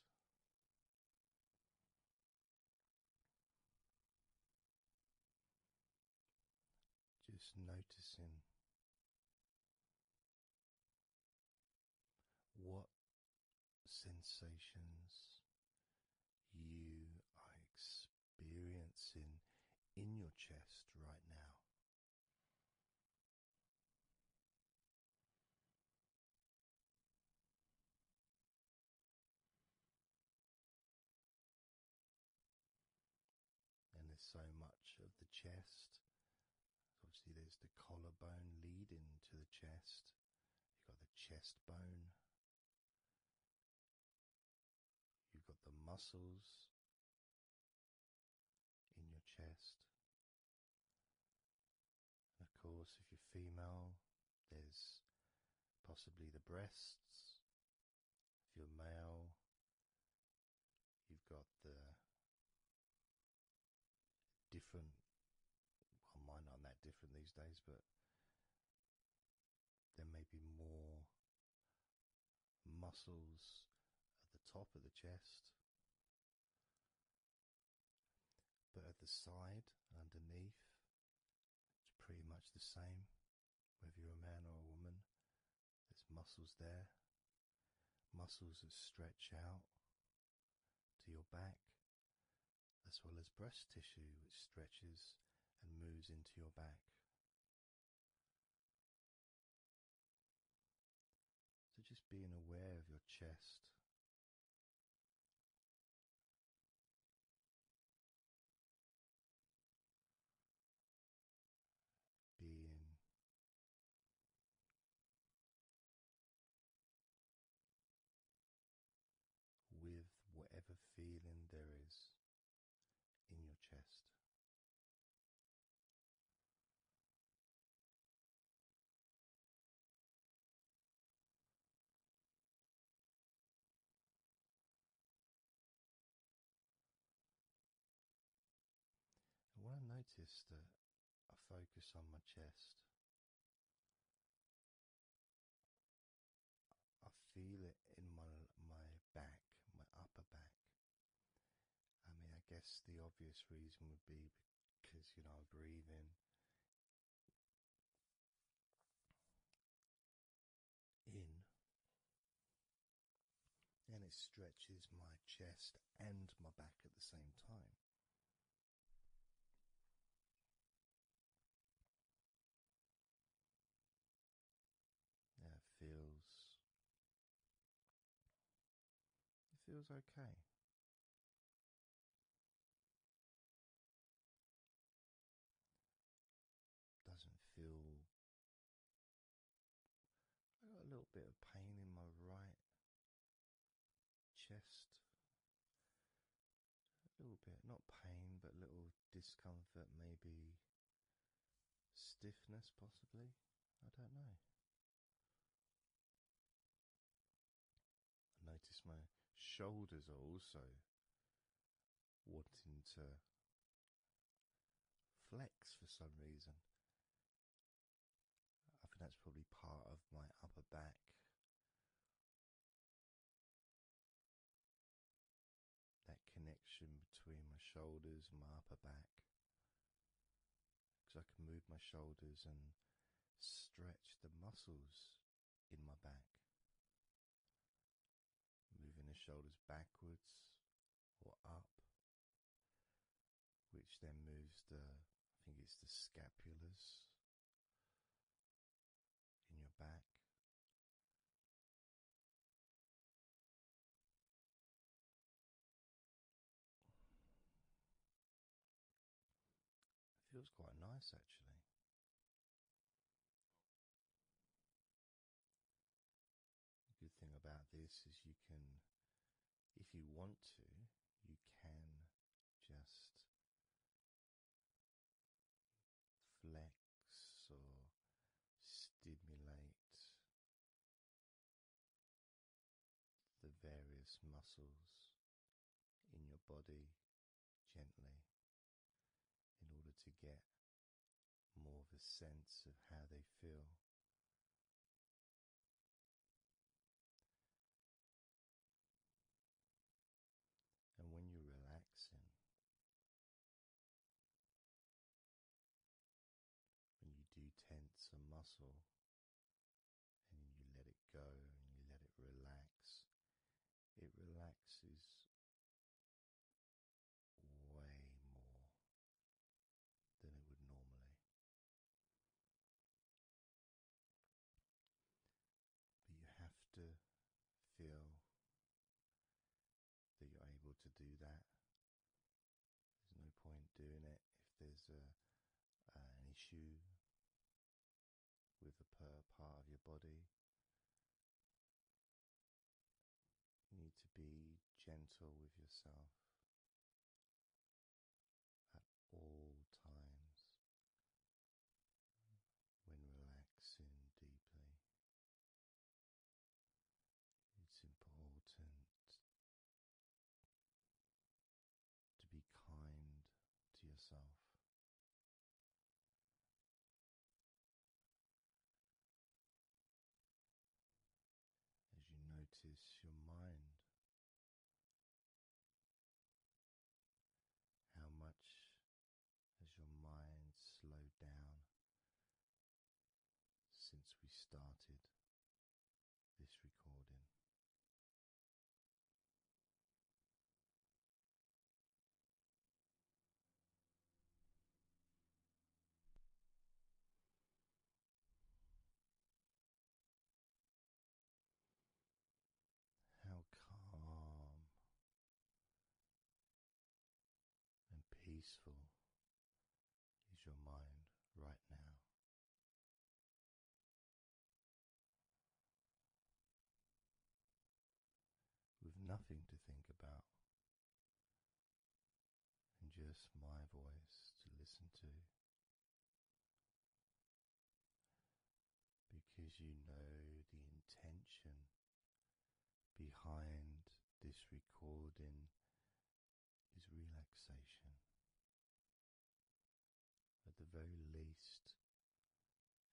[SPEAKER 1] Just noticing what sensations you are experiencing in your chest right now? and there's so much of the chest. Obviously, there's the collarbone leading to the chest. You've got the chest bone. You've got the muscles in your chest. of course, if you're female, there's possibly the breasts. If you're male, You've got the different, well, mine aren't that different these days, but there may be more muscles at the top of the chest, but at the side, underneath, it's pretty much the same whether you're a man or a woman. There's muscles there, muscles that stretch out to your back, as well as breast tissue which stretches and moves into your back. So just being aware of your chest being with whatever feeling there is in your chest. And what I notice that I focus on my chest, I feel it in my my back, my upper back. I mean, I guess the obvious reason would be because you know I am breathing In and it stretches my chest and my back at the same time. That feels it feels okay. Doesn't feel I got a little bit of pain in my right chest. A little bit, not pain, but a little discomfort, maybe stiffness, possibly. I don't know. I notice my shoulders are also wanting to flex for some reason. I think that's probably part of my upper back. That connection between my shoulders and my upper back. Because I can move my shoulders and stretch the muscles in my back. Moving the shoulders backwards or up which then moves the, I think it's the scapulars in your back. feels quite nice actually. The good thing about this is you can, if you want to, you can just flex or stimulate the various muscles in your body gently in order to get more of a sense of how they feel and when you're relaxing, when you do tense a muscle and you let it go and you let it relax, it relaxes way more than it would normally. But you have to feel that you're able to do that. There's no point doing it if there's an issue with a part of your body. You need to be gentle with yourself at all times when relaxing deeply. It's important to be kind to yourself. As you notice your mind how much has your mind slowed down since we started this recording? How calm and peaceful is your mind right now? With nothing to think about, and just my voice to listen to because you know the intention behind this recording is relaxation. At the very least,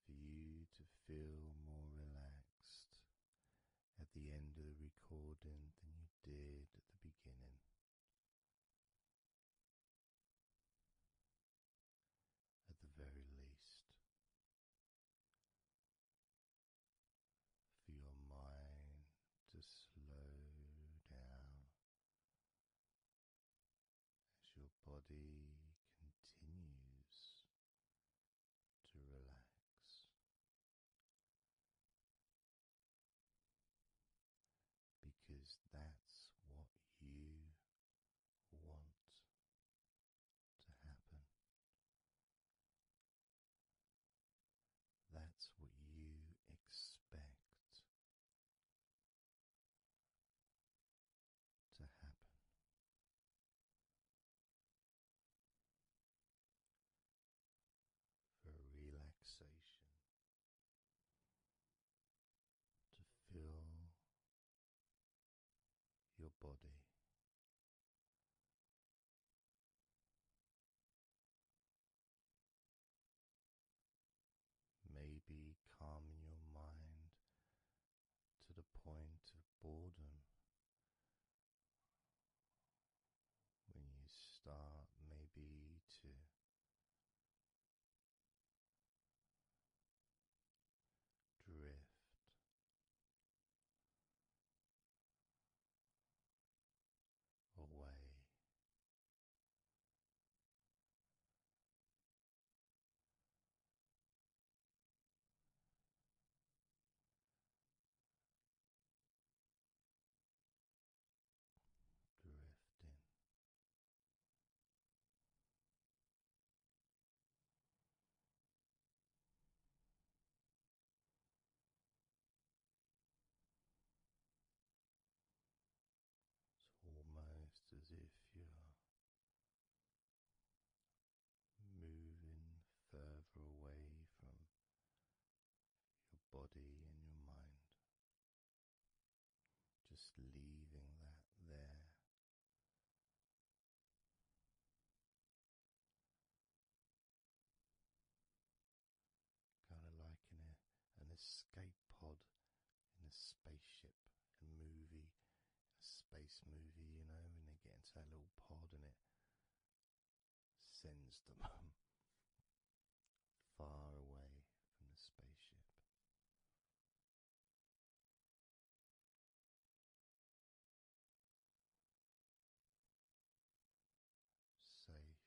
[SPEAKER 1] for you to feel more relaxed at the end of the recording than you did at the beginning at the very least, for your mind to slow down as your body continues to relax because that's what you want to happen. That's what you expect to happen. For relaxation to fill your body. Maybe calming your mind to the point of boredom when you start, maybe to drift. Away drifting. It's almost as if you're moving further away from your body and your mind. Just leaving that there. Kind of like in an escape pod in a spaceship, a movie, a space movie, you know, and they get into that little pod and it sends them <laughs> far away from the spaceship. Safe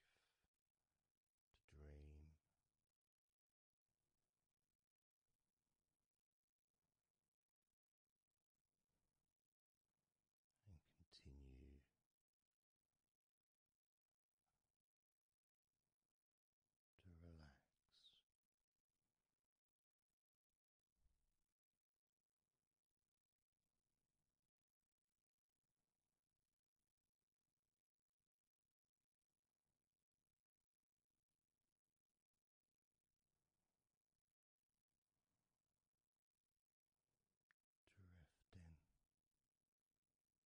[SPEAKER 1] to dream. And continue to relax. Drift in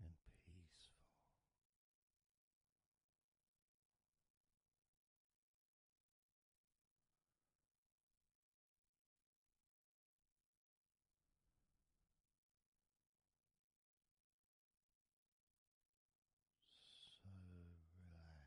[SPEAKER 3] and peaceful.
[SPEAKER 1] So relaxed.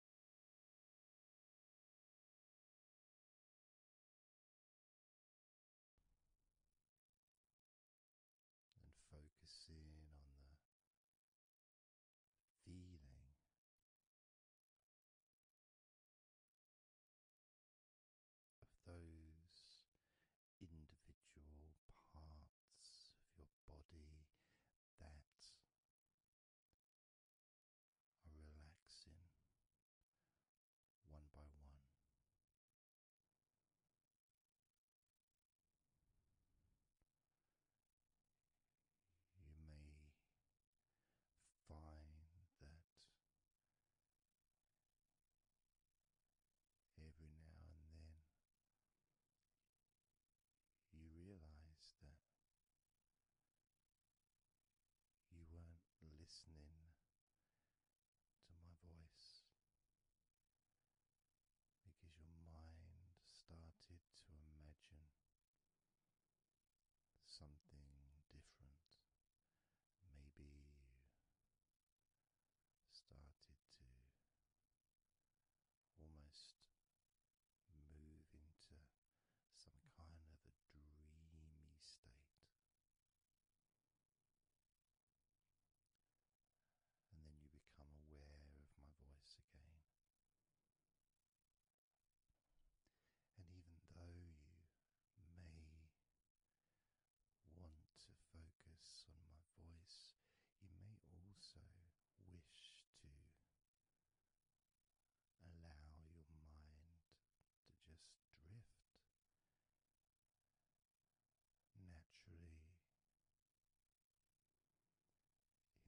[SPEAKER 3] and focusing on the feeling.
[SPEAKER 1] Of those individual parts of your body that are relaxing one by one. You may find that every now and then you realize that you weren't listening to my voice because your mind started to imagine something different. Maybe you started to almost move into some kind of a dreamy state. And then you become aware of my voice again. And even though you may want to focus on my voice, you may also wish to Allow your mind to just drift naturally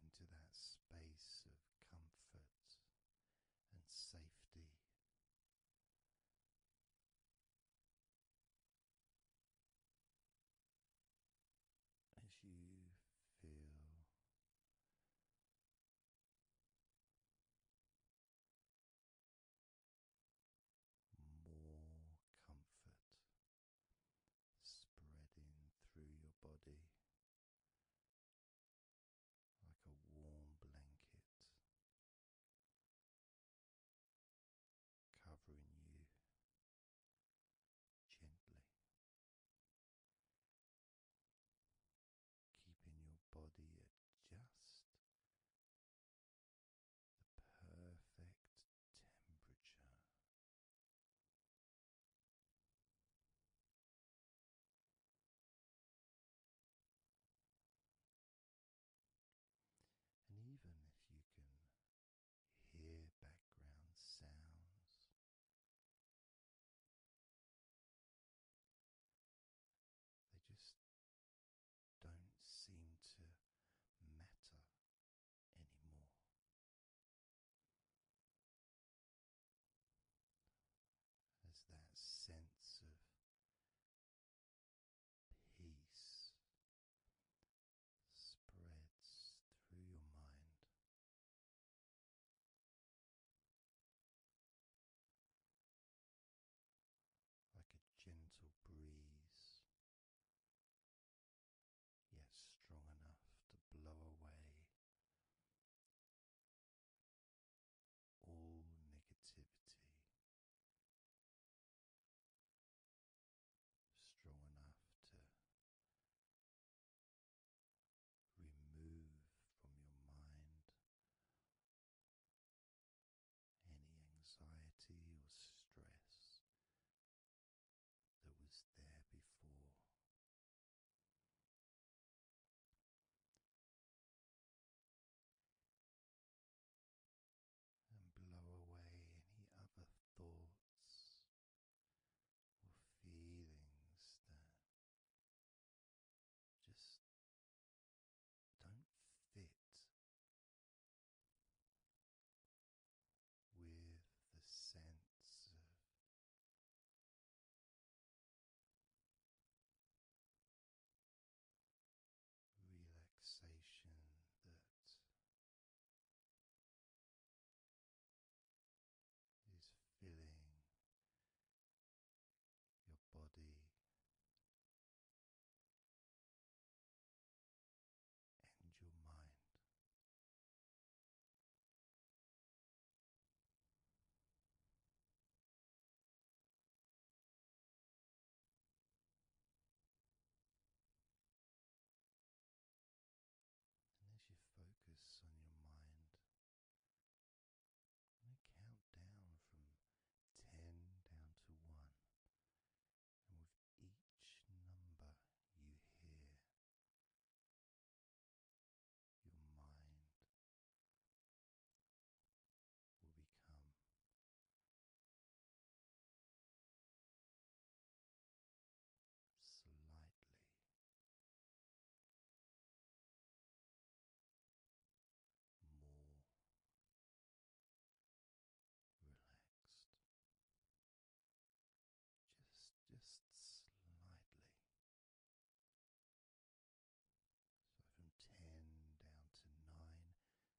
[SPEAKER 1] into that space of comfort and safety. As you feel more comfort spreading through your body like a warm blanket.
[SPEAKER 3] Covering you gently keeping your body at just the perfect temperature. And even if you can hear background sounds, they just don't seem to matter anymore. As that sense of peace spreads through your mind, like a gentle breeze, yet strong enough to blow away all negativity. Strong enough
[SPEAKER 1] to remove from your mind any anxiety or stress
[SPEAKER 3] that was there before. And blow away any other thoughts or feelings that just don't fit with the sense of. Relaxation that is filling your body and your mind. And as you focus on your mind,
[SPEAKER 1] i count down from 10 down to 1. And with each number you hear, your mind will become slightly
[SPEAKER 3] more relaxed,
[SPEAKER 1] just just slightly. So from ten down to nine,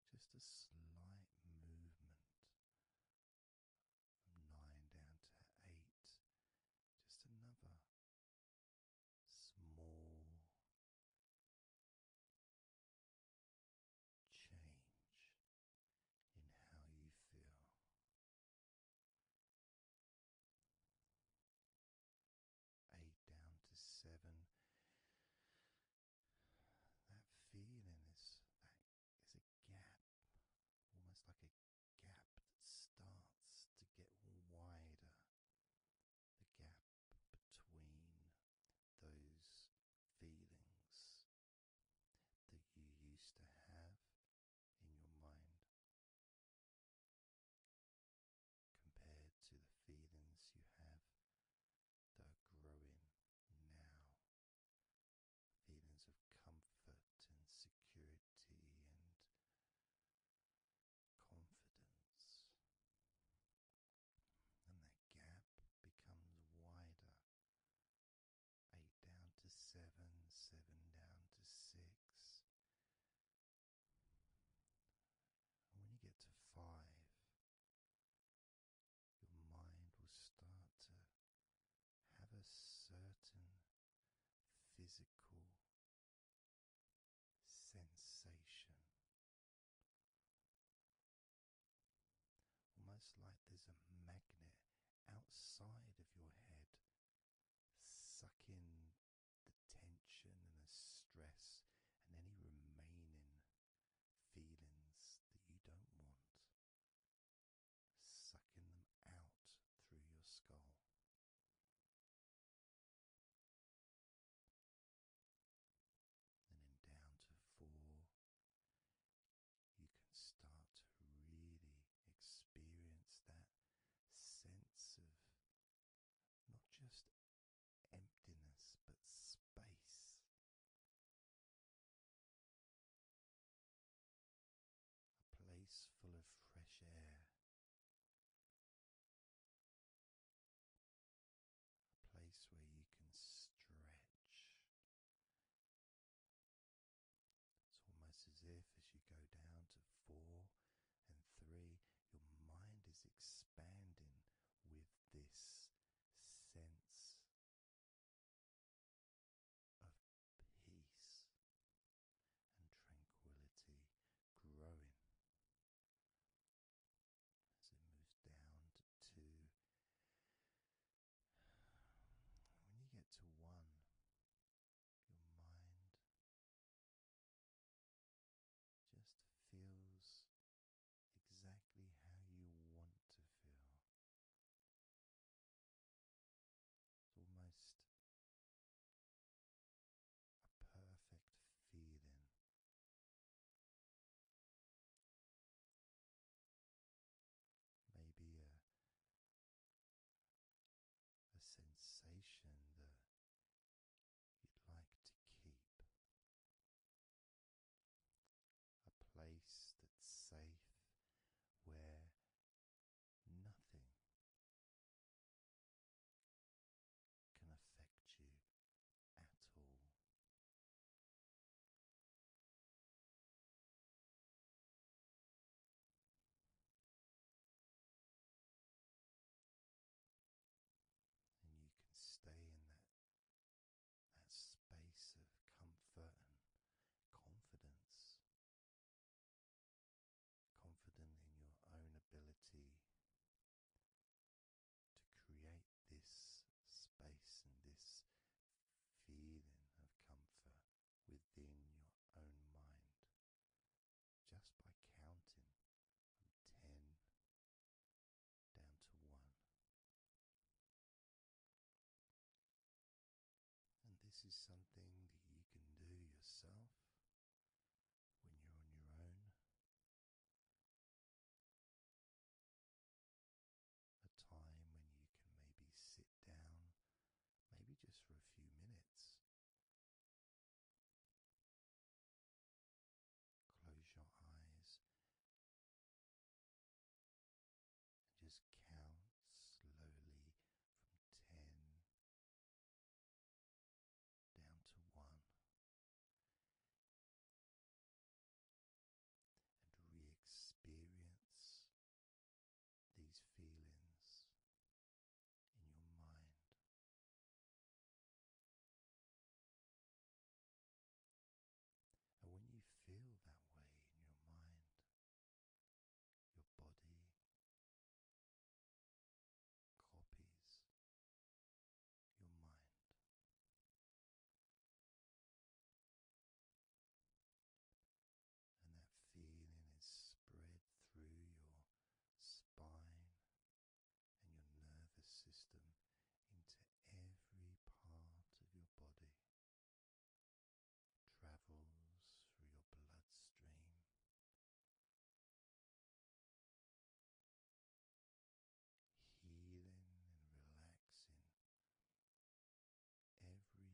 [SPEAKER 1] just a slight movement. From nine down to eight,
[SPEAKER 3] just another small change in how you feel. Eight
[SPEAKER 1] down to seven. That feeling is that is a gap, almost like a gap that starts to get wider the gap between those feelings that you used to have in your mind
[SPEAKER 3] compared to the feelings you have
[SPEAKER 1] that are growing now feelings of comfort and security and confidence. And that gap becomes wider. Eight down to seven, seven down to six. And when you get to five, your mind will start to
[SPEAKER 3] have a certain physical
[SPEAKER 1] sensation. Almost like there's a magnet outside of your head sucking the tension and the stress and any remaining feelings that you don't want, sucking them out through your skull and then down to four, you can start to really experience that sense of not just
[SPEAKER 3] emptiness but space. A place full of fresh air a
[SPEAKER 1] place where you can stretch. It's almost as if as you go down to four and three, your mind is expanding with this sense of peace and tranquility growing as it moves down to um, When you get to one, your mind just feels
[SPEAKER 3] exactly how you want to feel. It's almost a perfect feeling. Maybe a, a
[SPEAKER 1] sensation that you'd like to keep, a place that's safe where
[SPEAKER 3] nothing can affect you at all. And you can
[SPEAKER 1] stay in that that space of comfort and confidence. Confident in your own ability to create this space and this feeling of comfort within your own mind just by counting 10 down to 1. And this is something that you can do yourself when you're on your own
[SPEAKER 3] a time when you can maybe sit down, maybe just for a few minutes. Close your eyes and just count slowly from ten down to one, and re experience these feelings in your mind. And when you feel that way in your mind, your body copies your
[SPEAKER 1] mind. And that feeling is spread through your spine and your nervous system into every part of your body.
[SPEAKER 3] Travels through your bloodstream healing and relaxing every particle of your existence. And we can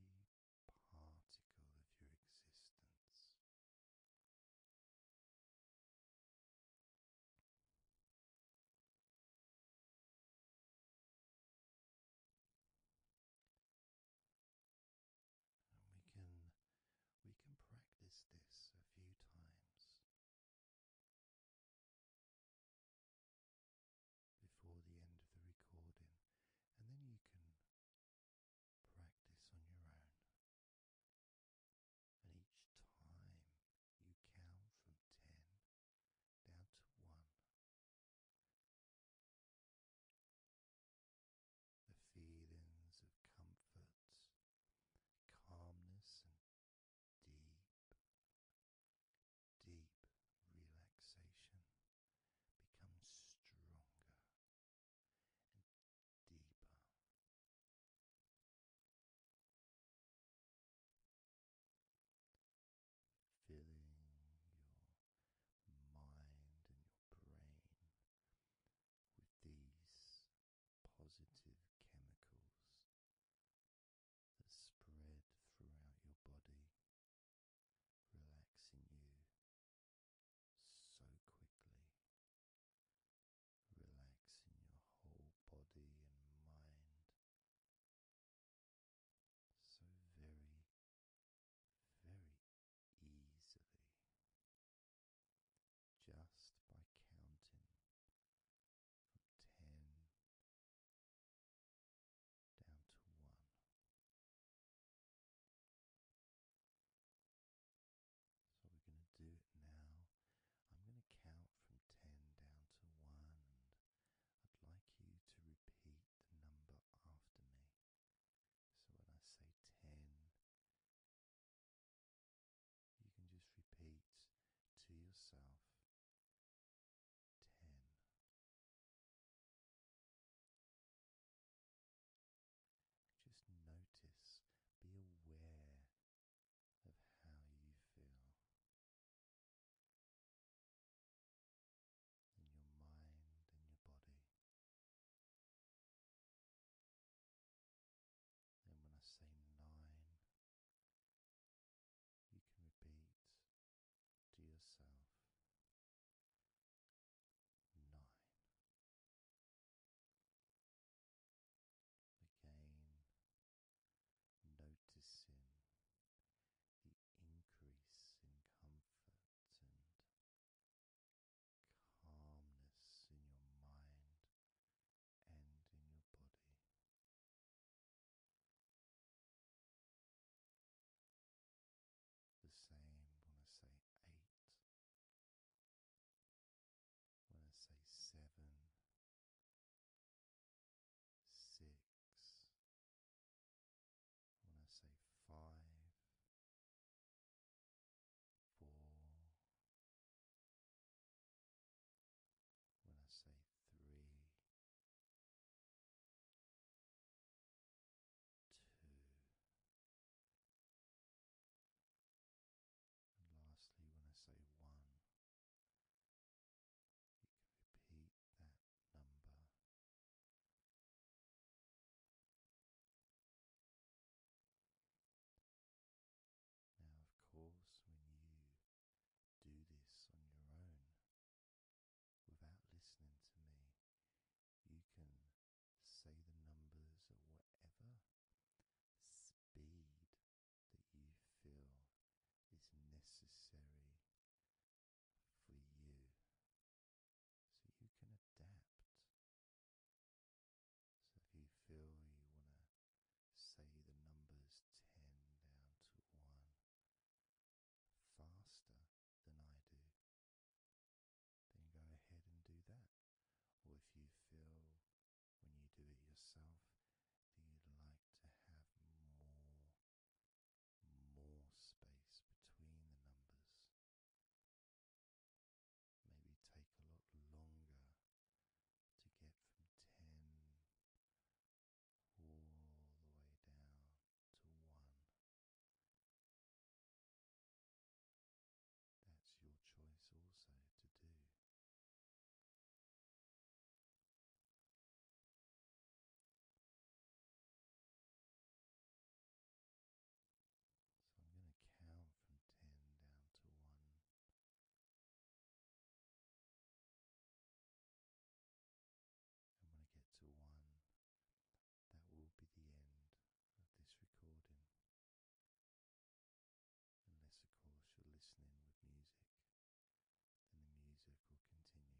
[SPEAKER 3] we can practice this a few times before the end of the recording, and then you can practice on your own. And each time you count from 10 down to 1, the feelings of comfort, calmness, and deep deep relaxation becomes stronger and deeper.
[SPEAKER 1] Filling your mind and your brain with these positive chemicals that spread throughout your body, relaxing you so quickly,
[SPEAKER 3] relaxing your whole body and mind so very, very easily just by counting from 10 down to 1. So we're going to do it now. I'm going to count
[SPEAKER 1] from 10 down to 1 I'd like you to repeat the number after me.
[SPEAKER 3] So when I say 10, you can just repeat to yourself ten. Just notice, be aware of how you feel. In your mind and your body, and when I say nine, you can repeat to yourself nine. Again, noticing the increase in comfort
[SPEAKER 1] and calmness in your mind and in your body.
[SPEAKER 3] The same when I say eight, when I say seven, six, when I say five, four, when I say three, two, and lastly, when I say one, you can repeat that number. Now, of course, when you
[SPEAKER 1] do this on your own without listening to me, you can say the numbers at whatever speed that you feel is necessary for you so you can adapt. So if you feel you want to say the numbers 10 down to 1 faster than I do, then go ahead and do that. Or if you feel when you do it yourself that you'd like to have more more space between the numbers. Maybe take a lot longer
[SPEAKER 3] to get from 10 all the
[SPEAKER 2] way down to 1. That's your choice also to do. So I'm going to
[SPEAKER 3] count from 10 down to 1. And when I get to one, that will be the end
[SPEAKER 1] of this recording. Unless, of course, you're listening with music, then the music will continue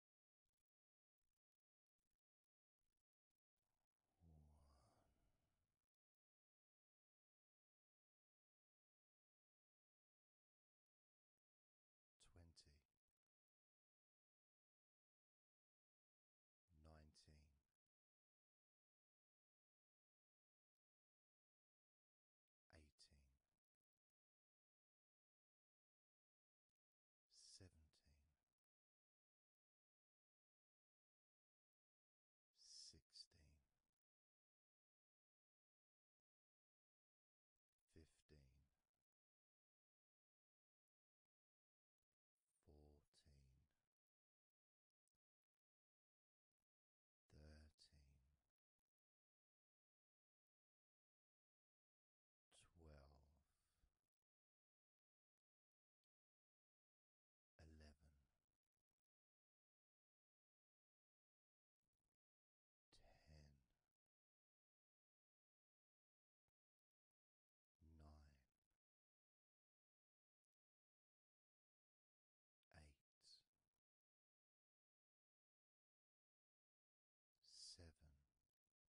[SPEAKER 3] twenty, nineteen. Eighteen, seventeen, sixteen, fifteen, fourteen. Thirteen, Twelve, eleven, ten, nine, eight, seven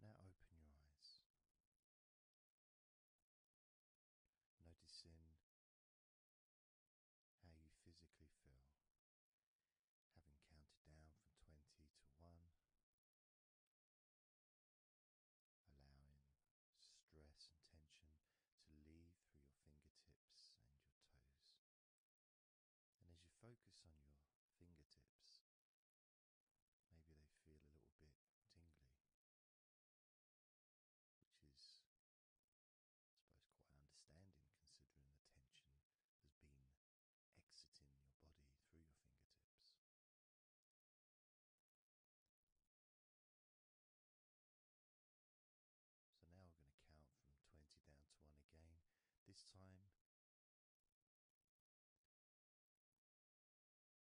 [SPEAKER 3] Now open your
[SPEAKER 1] eyes, noticing how you physically feel, having counted down from 20 to 1, allowing stress and tension to leave through your fingertips and your toes. And as you focus on your fingertips, maybe they feel a little bit tingly, which is, I suppose, quite understanding considering the tension has been exiting your body through your fingertips. So now we're going to count from 20 down to 1 again. This time,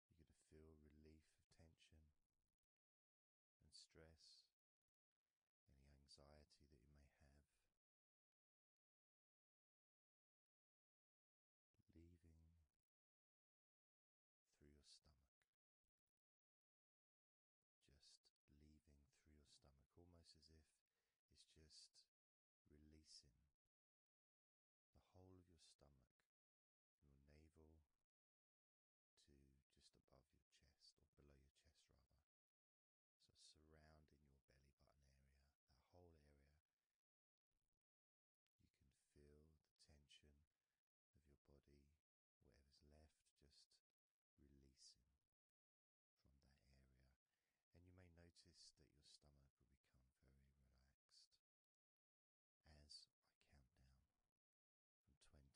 [SPEAKER 1] you're going to feel relief of tension and stress, any anxiety
[SPEAKER 3] that you may have
[SPEAKER 1] leaving through your stomach. Just leaving through your stomach, almost as if it's just releasing the whole of your stomach, your navel to just above your chest or below your chest, rather. So, surrounding your belly button area, that whole area you can feel the tension of your body, whatever's left, just releasing from that area. And you may notice that your stomach will become very relaxed as I count down from 20 down to 1. Now,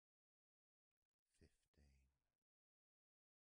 [SPEAKER 3] fifteen, fourteen. 13 12 11 10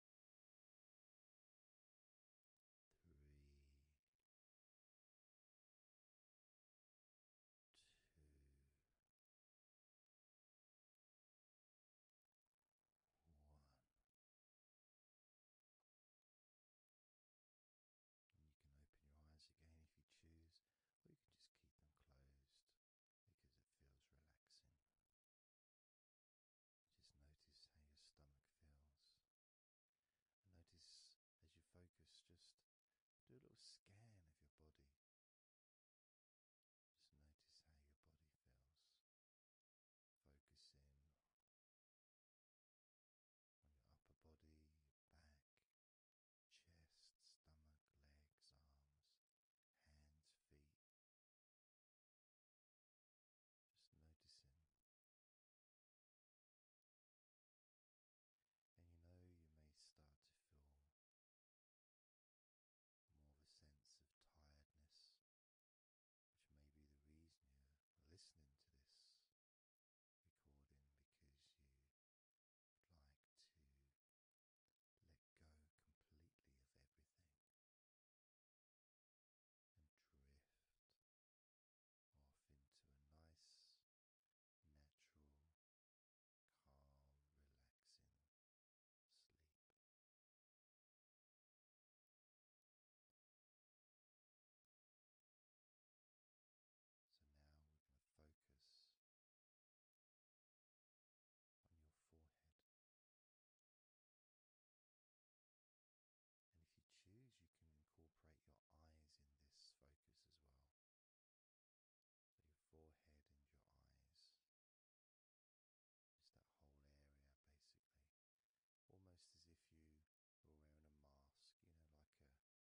[SPEAKER 3] three, two, one. you can open your eyes again if you choose, or you can just keep them closed because it feels relaxing.
[SPEAKER 1] Just notice how your stomach feels. notice as you focus, just do a little scan of your body. Just notice how your body feels. Focus in on your upper body, back, chest, stomach, legs, arms, hands, feet, just noticing.
[SPEAKER 3] And you know, you may start to feel more of a sense of tiredness, which may be the reason you're listening to this recording because you'd like to
[SPEAKER 1] let go completely of everything
[SPEAKER 3] and drift off into a nice, natural, calm, relaxing sleep. So now we're going to focus on your forehead.
[SPEAKER 1] And if you choose, you can incorporate your eyes in this focus as well. So your forehead and your eyes. Just that whole area, basically. Almost as if you were wearing a mask, you know, like a, I don't know, Batman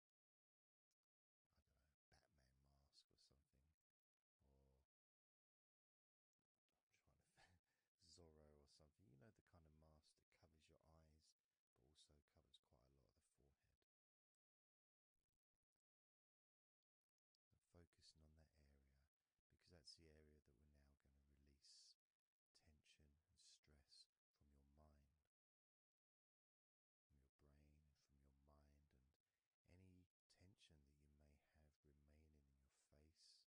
[SPEAKER 1] mask or something, <laughs> Zorro or something. You know the kind of mask that covers your eyes, but also covers quite a lot of the forehead. focusing on that area because that's the area that we're now going to release tension and stress from your mind, from your brain, from your mind, and any tension that you may have remaining in your face,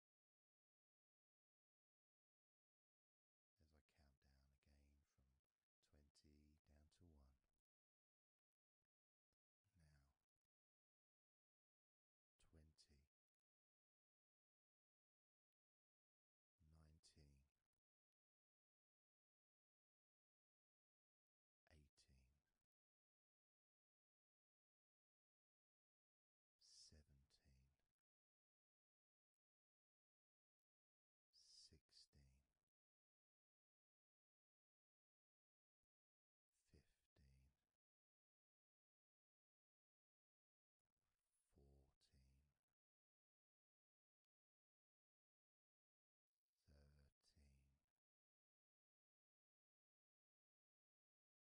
[SPEAKER 3] as I count down again from 20 down to 1. Now, 20, 19, 18, seventeen, sixteen, fifteen, fourteen. Thirteen,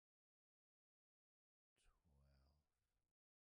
[SPEAKER 3] twelve, eleven. Ten, nine, eight,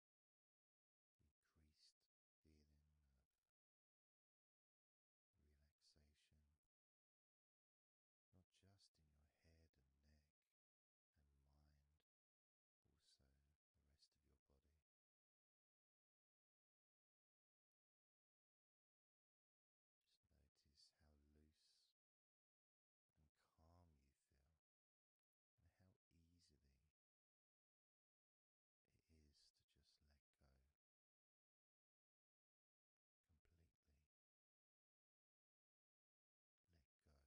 [SPEAKER 3] increased feeling of relaxation, not just in your head and neck and mind, also the rest of your body. Just notice how loose and calm you feel, and how easily it is to just let go completely. Let go completely. easily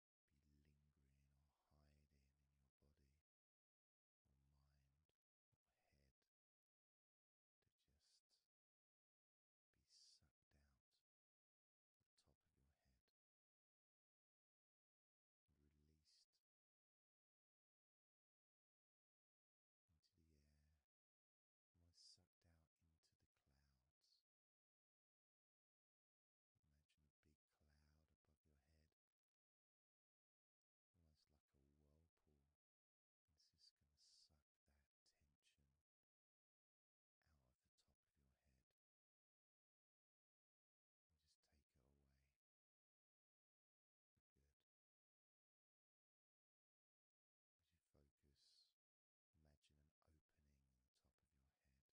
[SPEAKER 1] be lingering or hiding in your body or mind or head to just be sucked out the top of your head
[SPEAKER 3] and released into the air, almost sucked out into the clouds. Imagine a big cloud above your head, almost like a whirlpool. It's just going to suck that
[SPEAKER 1] tension out of the top of your head and just take it away for good. As you focus, imagine an opening in the top of your head.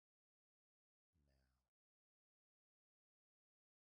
[SPEAKER 3] now twenty nineteen eighteen seventeen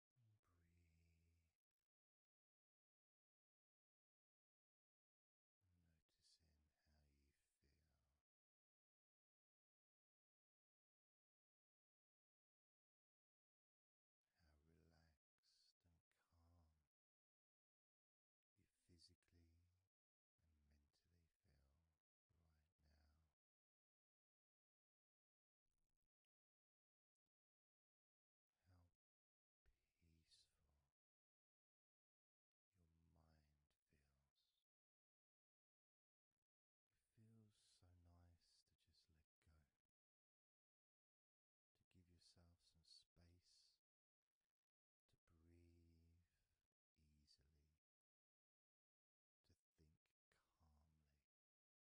[SPEAKER 1] Breathe. noticing how you feel. How relaxed and calm you physically and mentally feel right now
[SPEAKER 3] peaceful your mind feels. It feels so nice to just let go,
[SPEAKER 1] to give yourself some space to
[SPEAKER 3] breathe easily, to think calmly.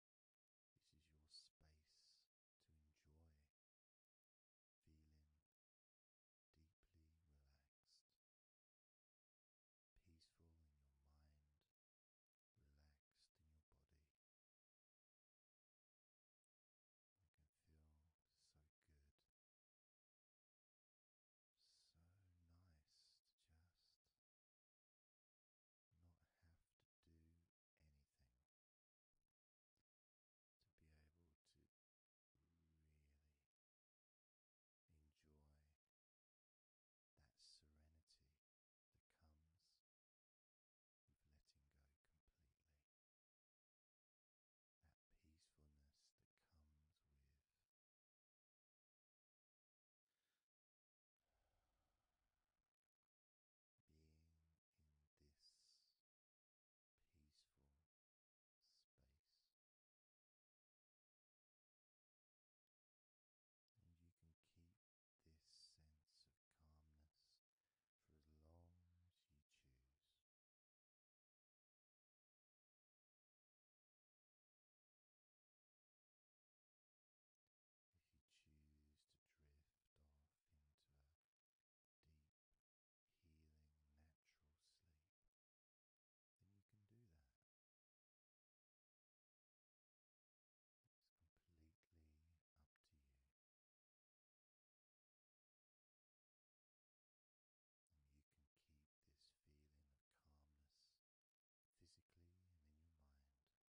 [SPEAKER 3] This is your space to enjoy feeling deeply relaxed, peaceful in your mind, relaxed in your body. It can feel so good. So nice to just not have to do anything to be able to really enjoy that serenity that comes with letting go completely. That peacefulness that comes with being in this peaceful space, and you can keep this sense of calmness for as long as you choose if you choose to drift off into a deep, healing, natural sleep, then you can do that. It's completely up to you. And you can keep this feeling of calmness physically
[SPEAKER 1] and in your mind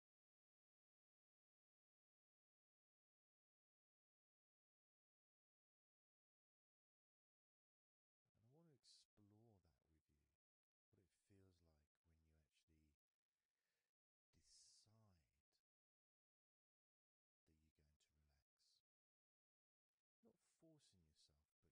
[SPEAKER 3] And I want to explore that with you what it feels
[SPEAKER 1] like when you actually decide that you're going to relax. Not forcing yourself, but giving yourself that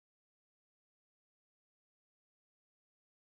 [SPEAKER 3] noticing how your hands start to relax.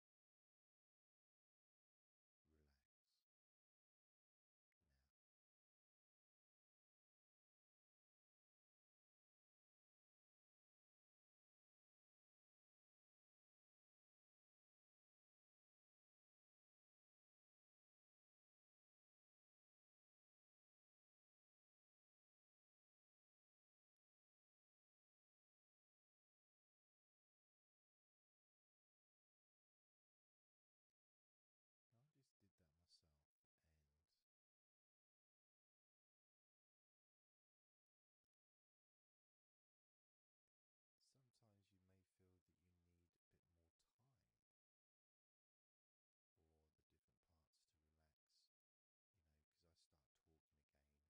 [SPEAKER 3] relax now. I just did that myself and sometimes you may feel that you need a bit more time for the different parts to relax, you know, because
[SPEAKER 1] I start talking again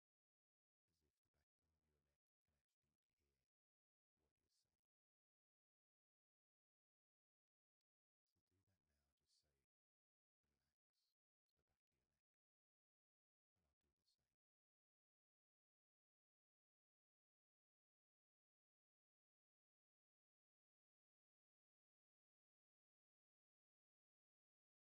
[SPEAKER 3] is if you back into your neck and actually hear what you're saying. So do that now, just say relax to the back of your neck, and I'll do the same.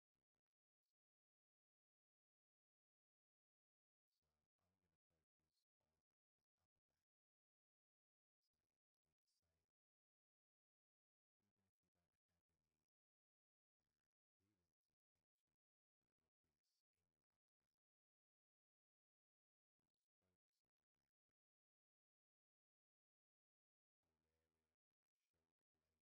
[SPEAKER 3] focus on the reaction, focus on the reaction, whole area, shoulder blade,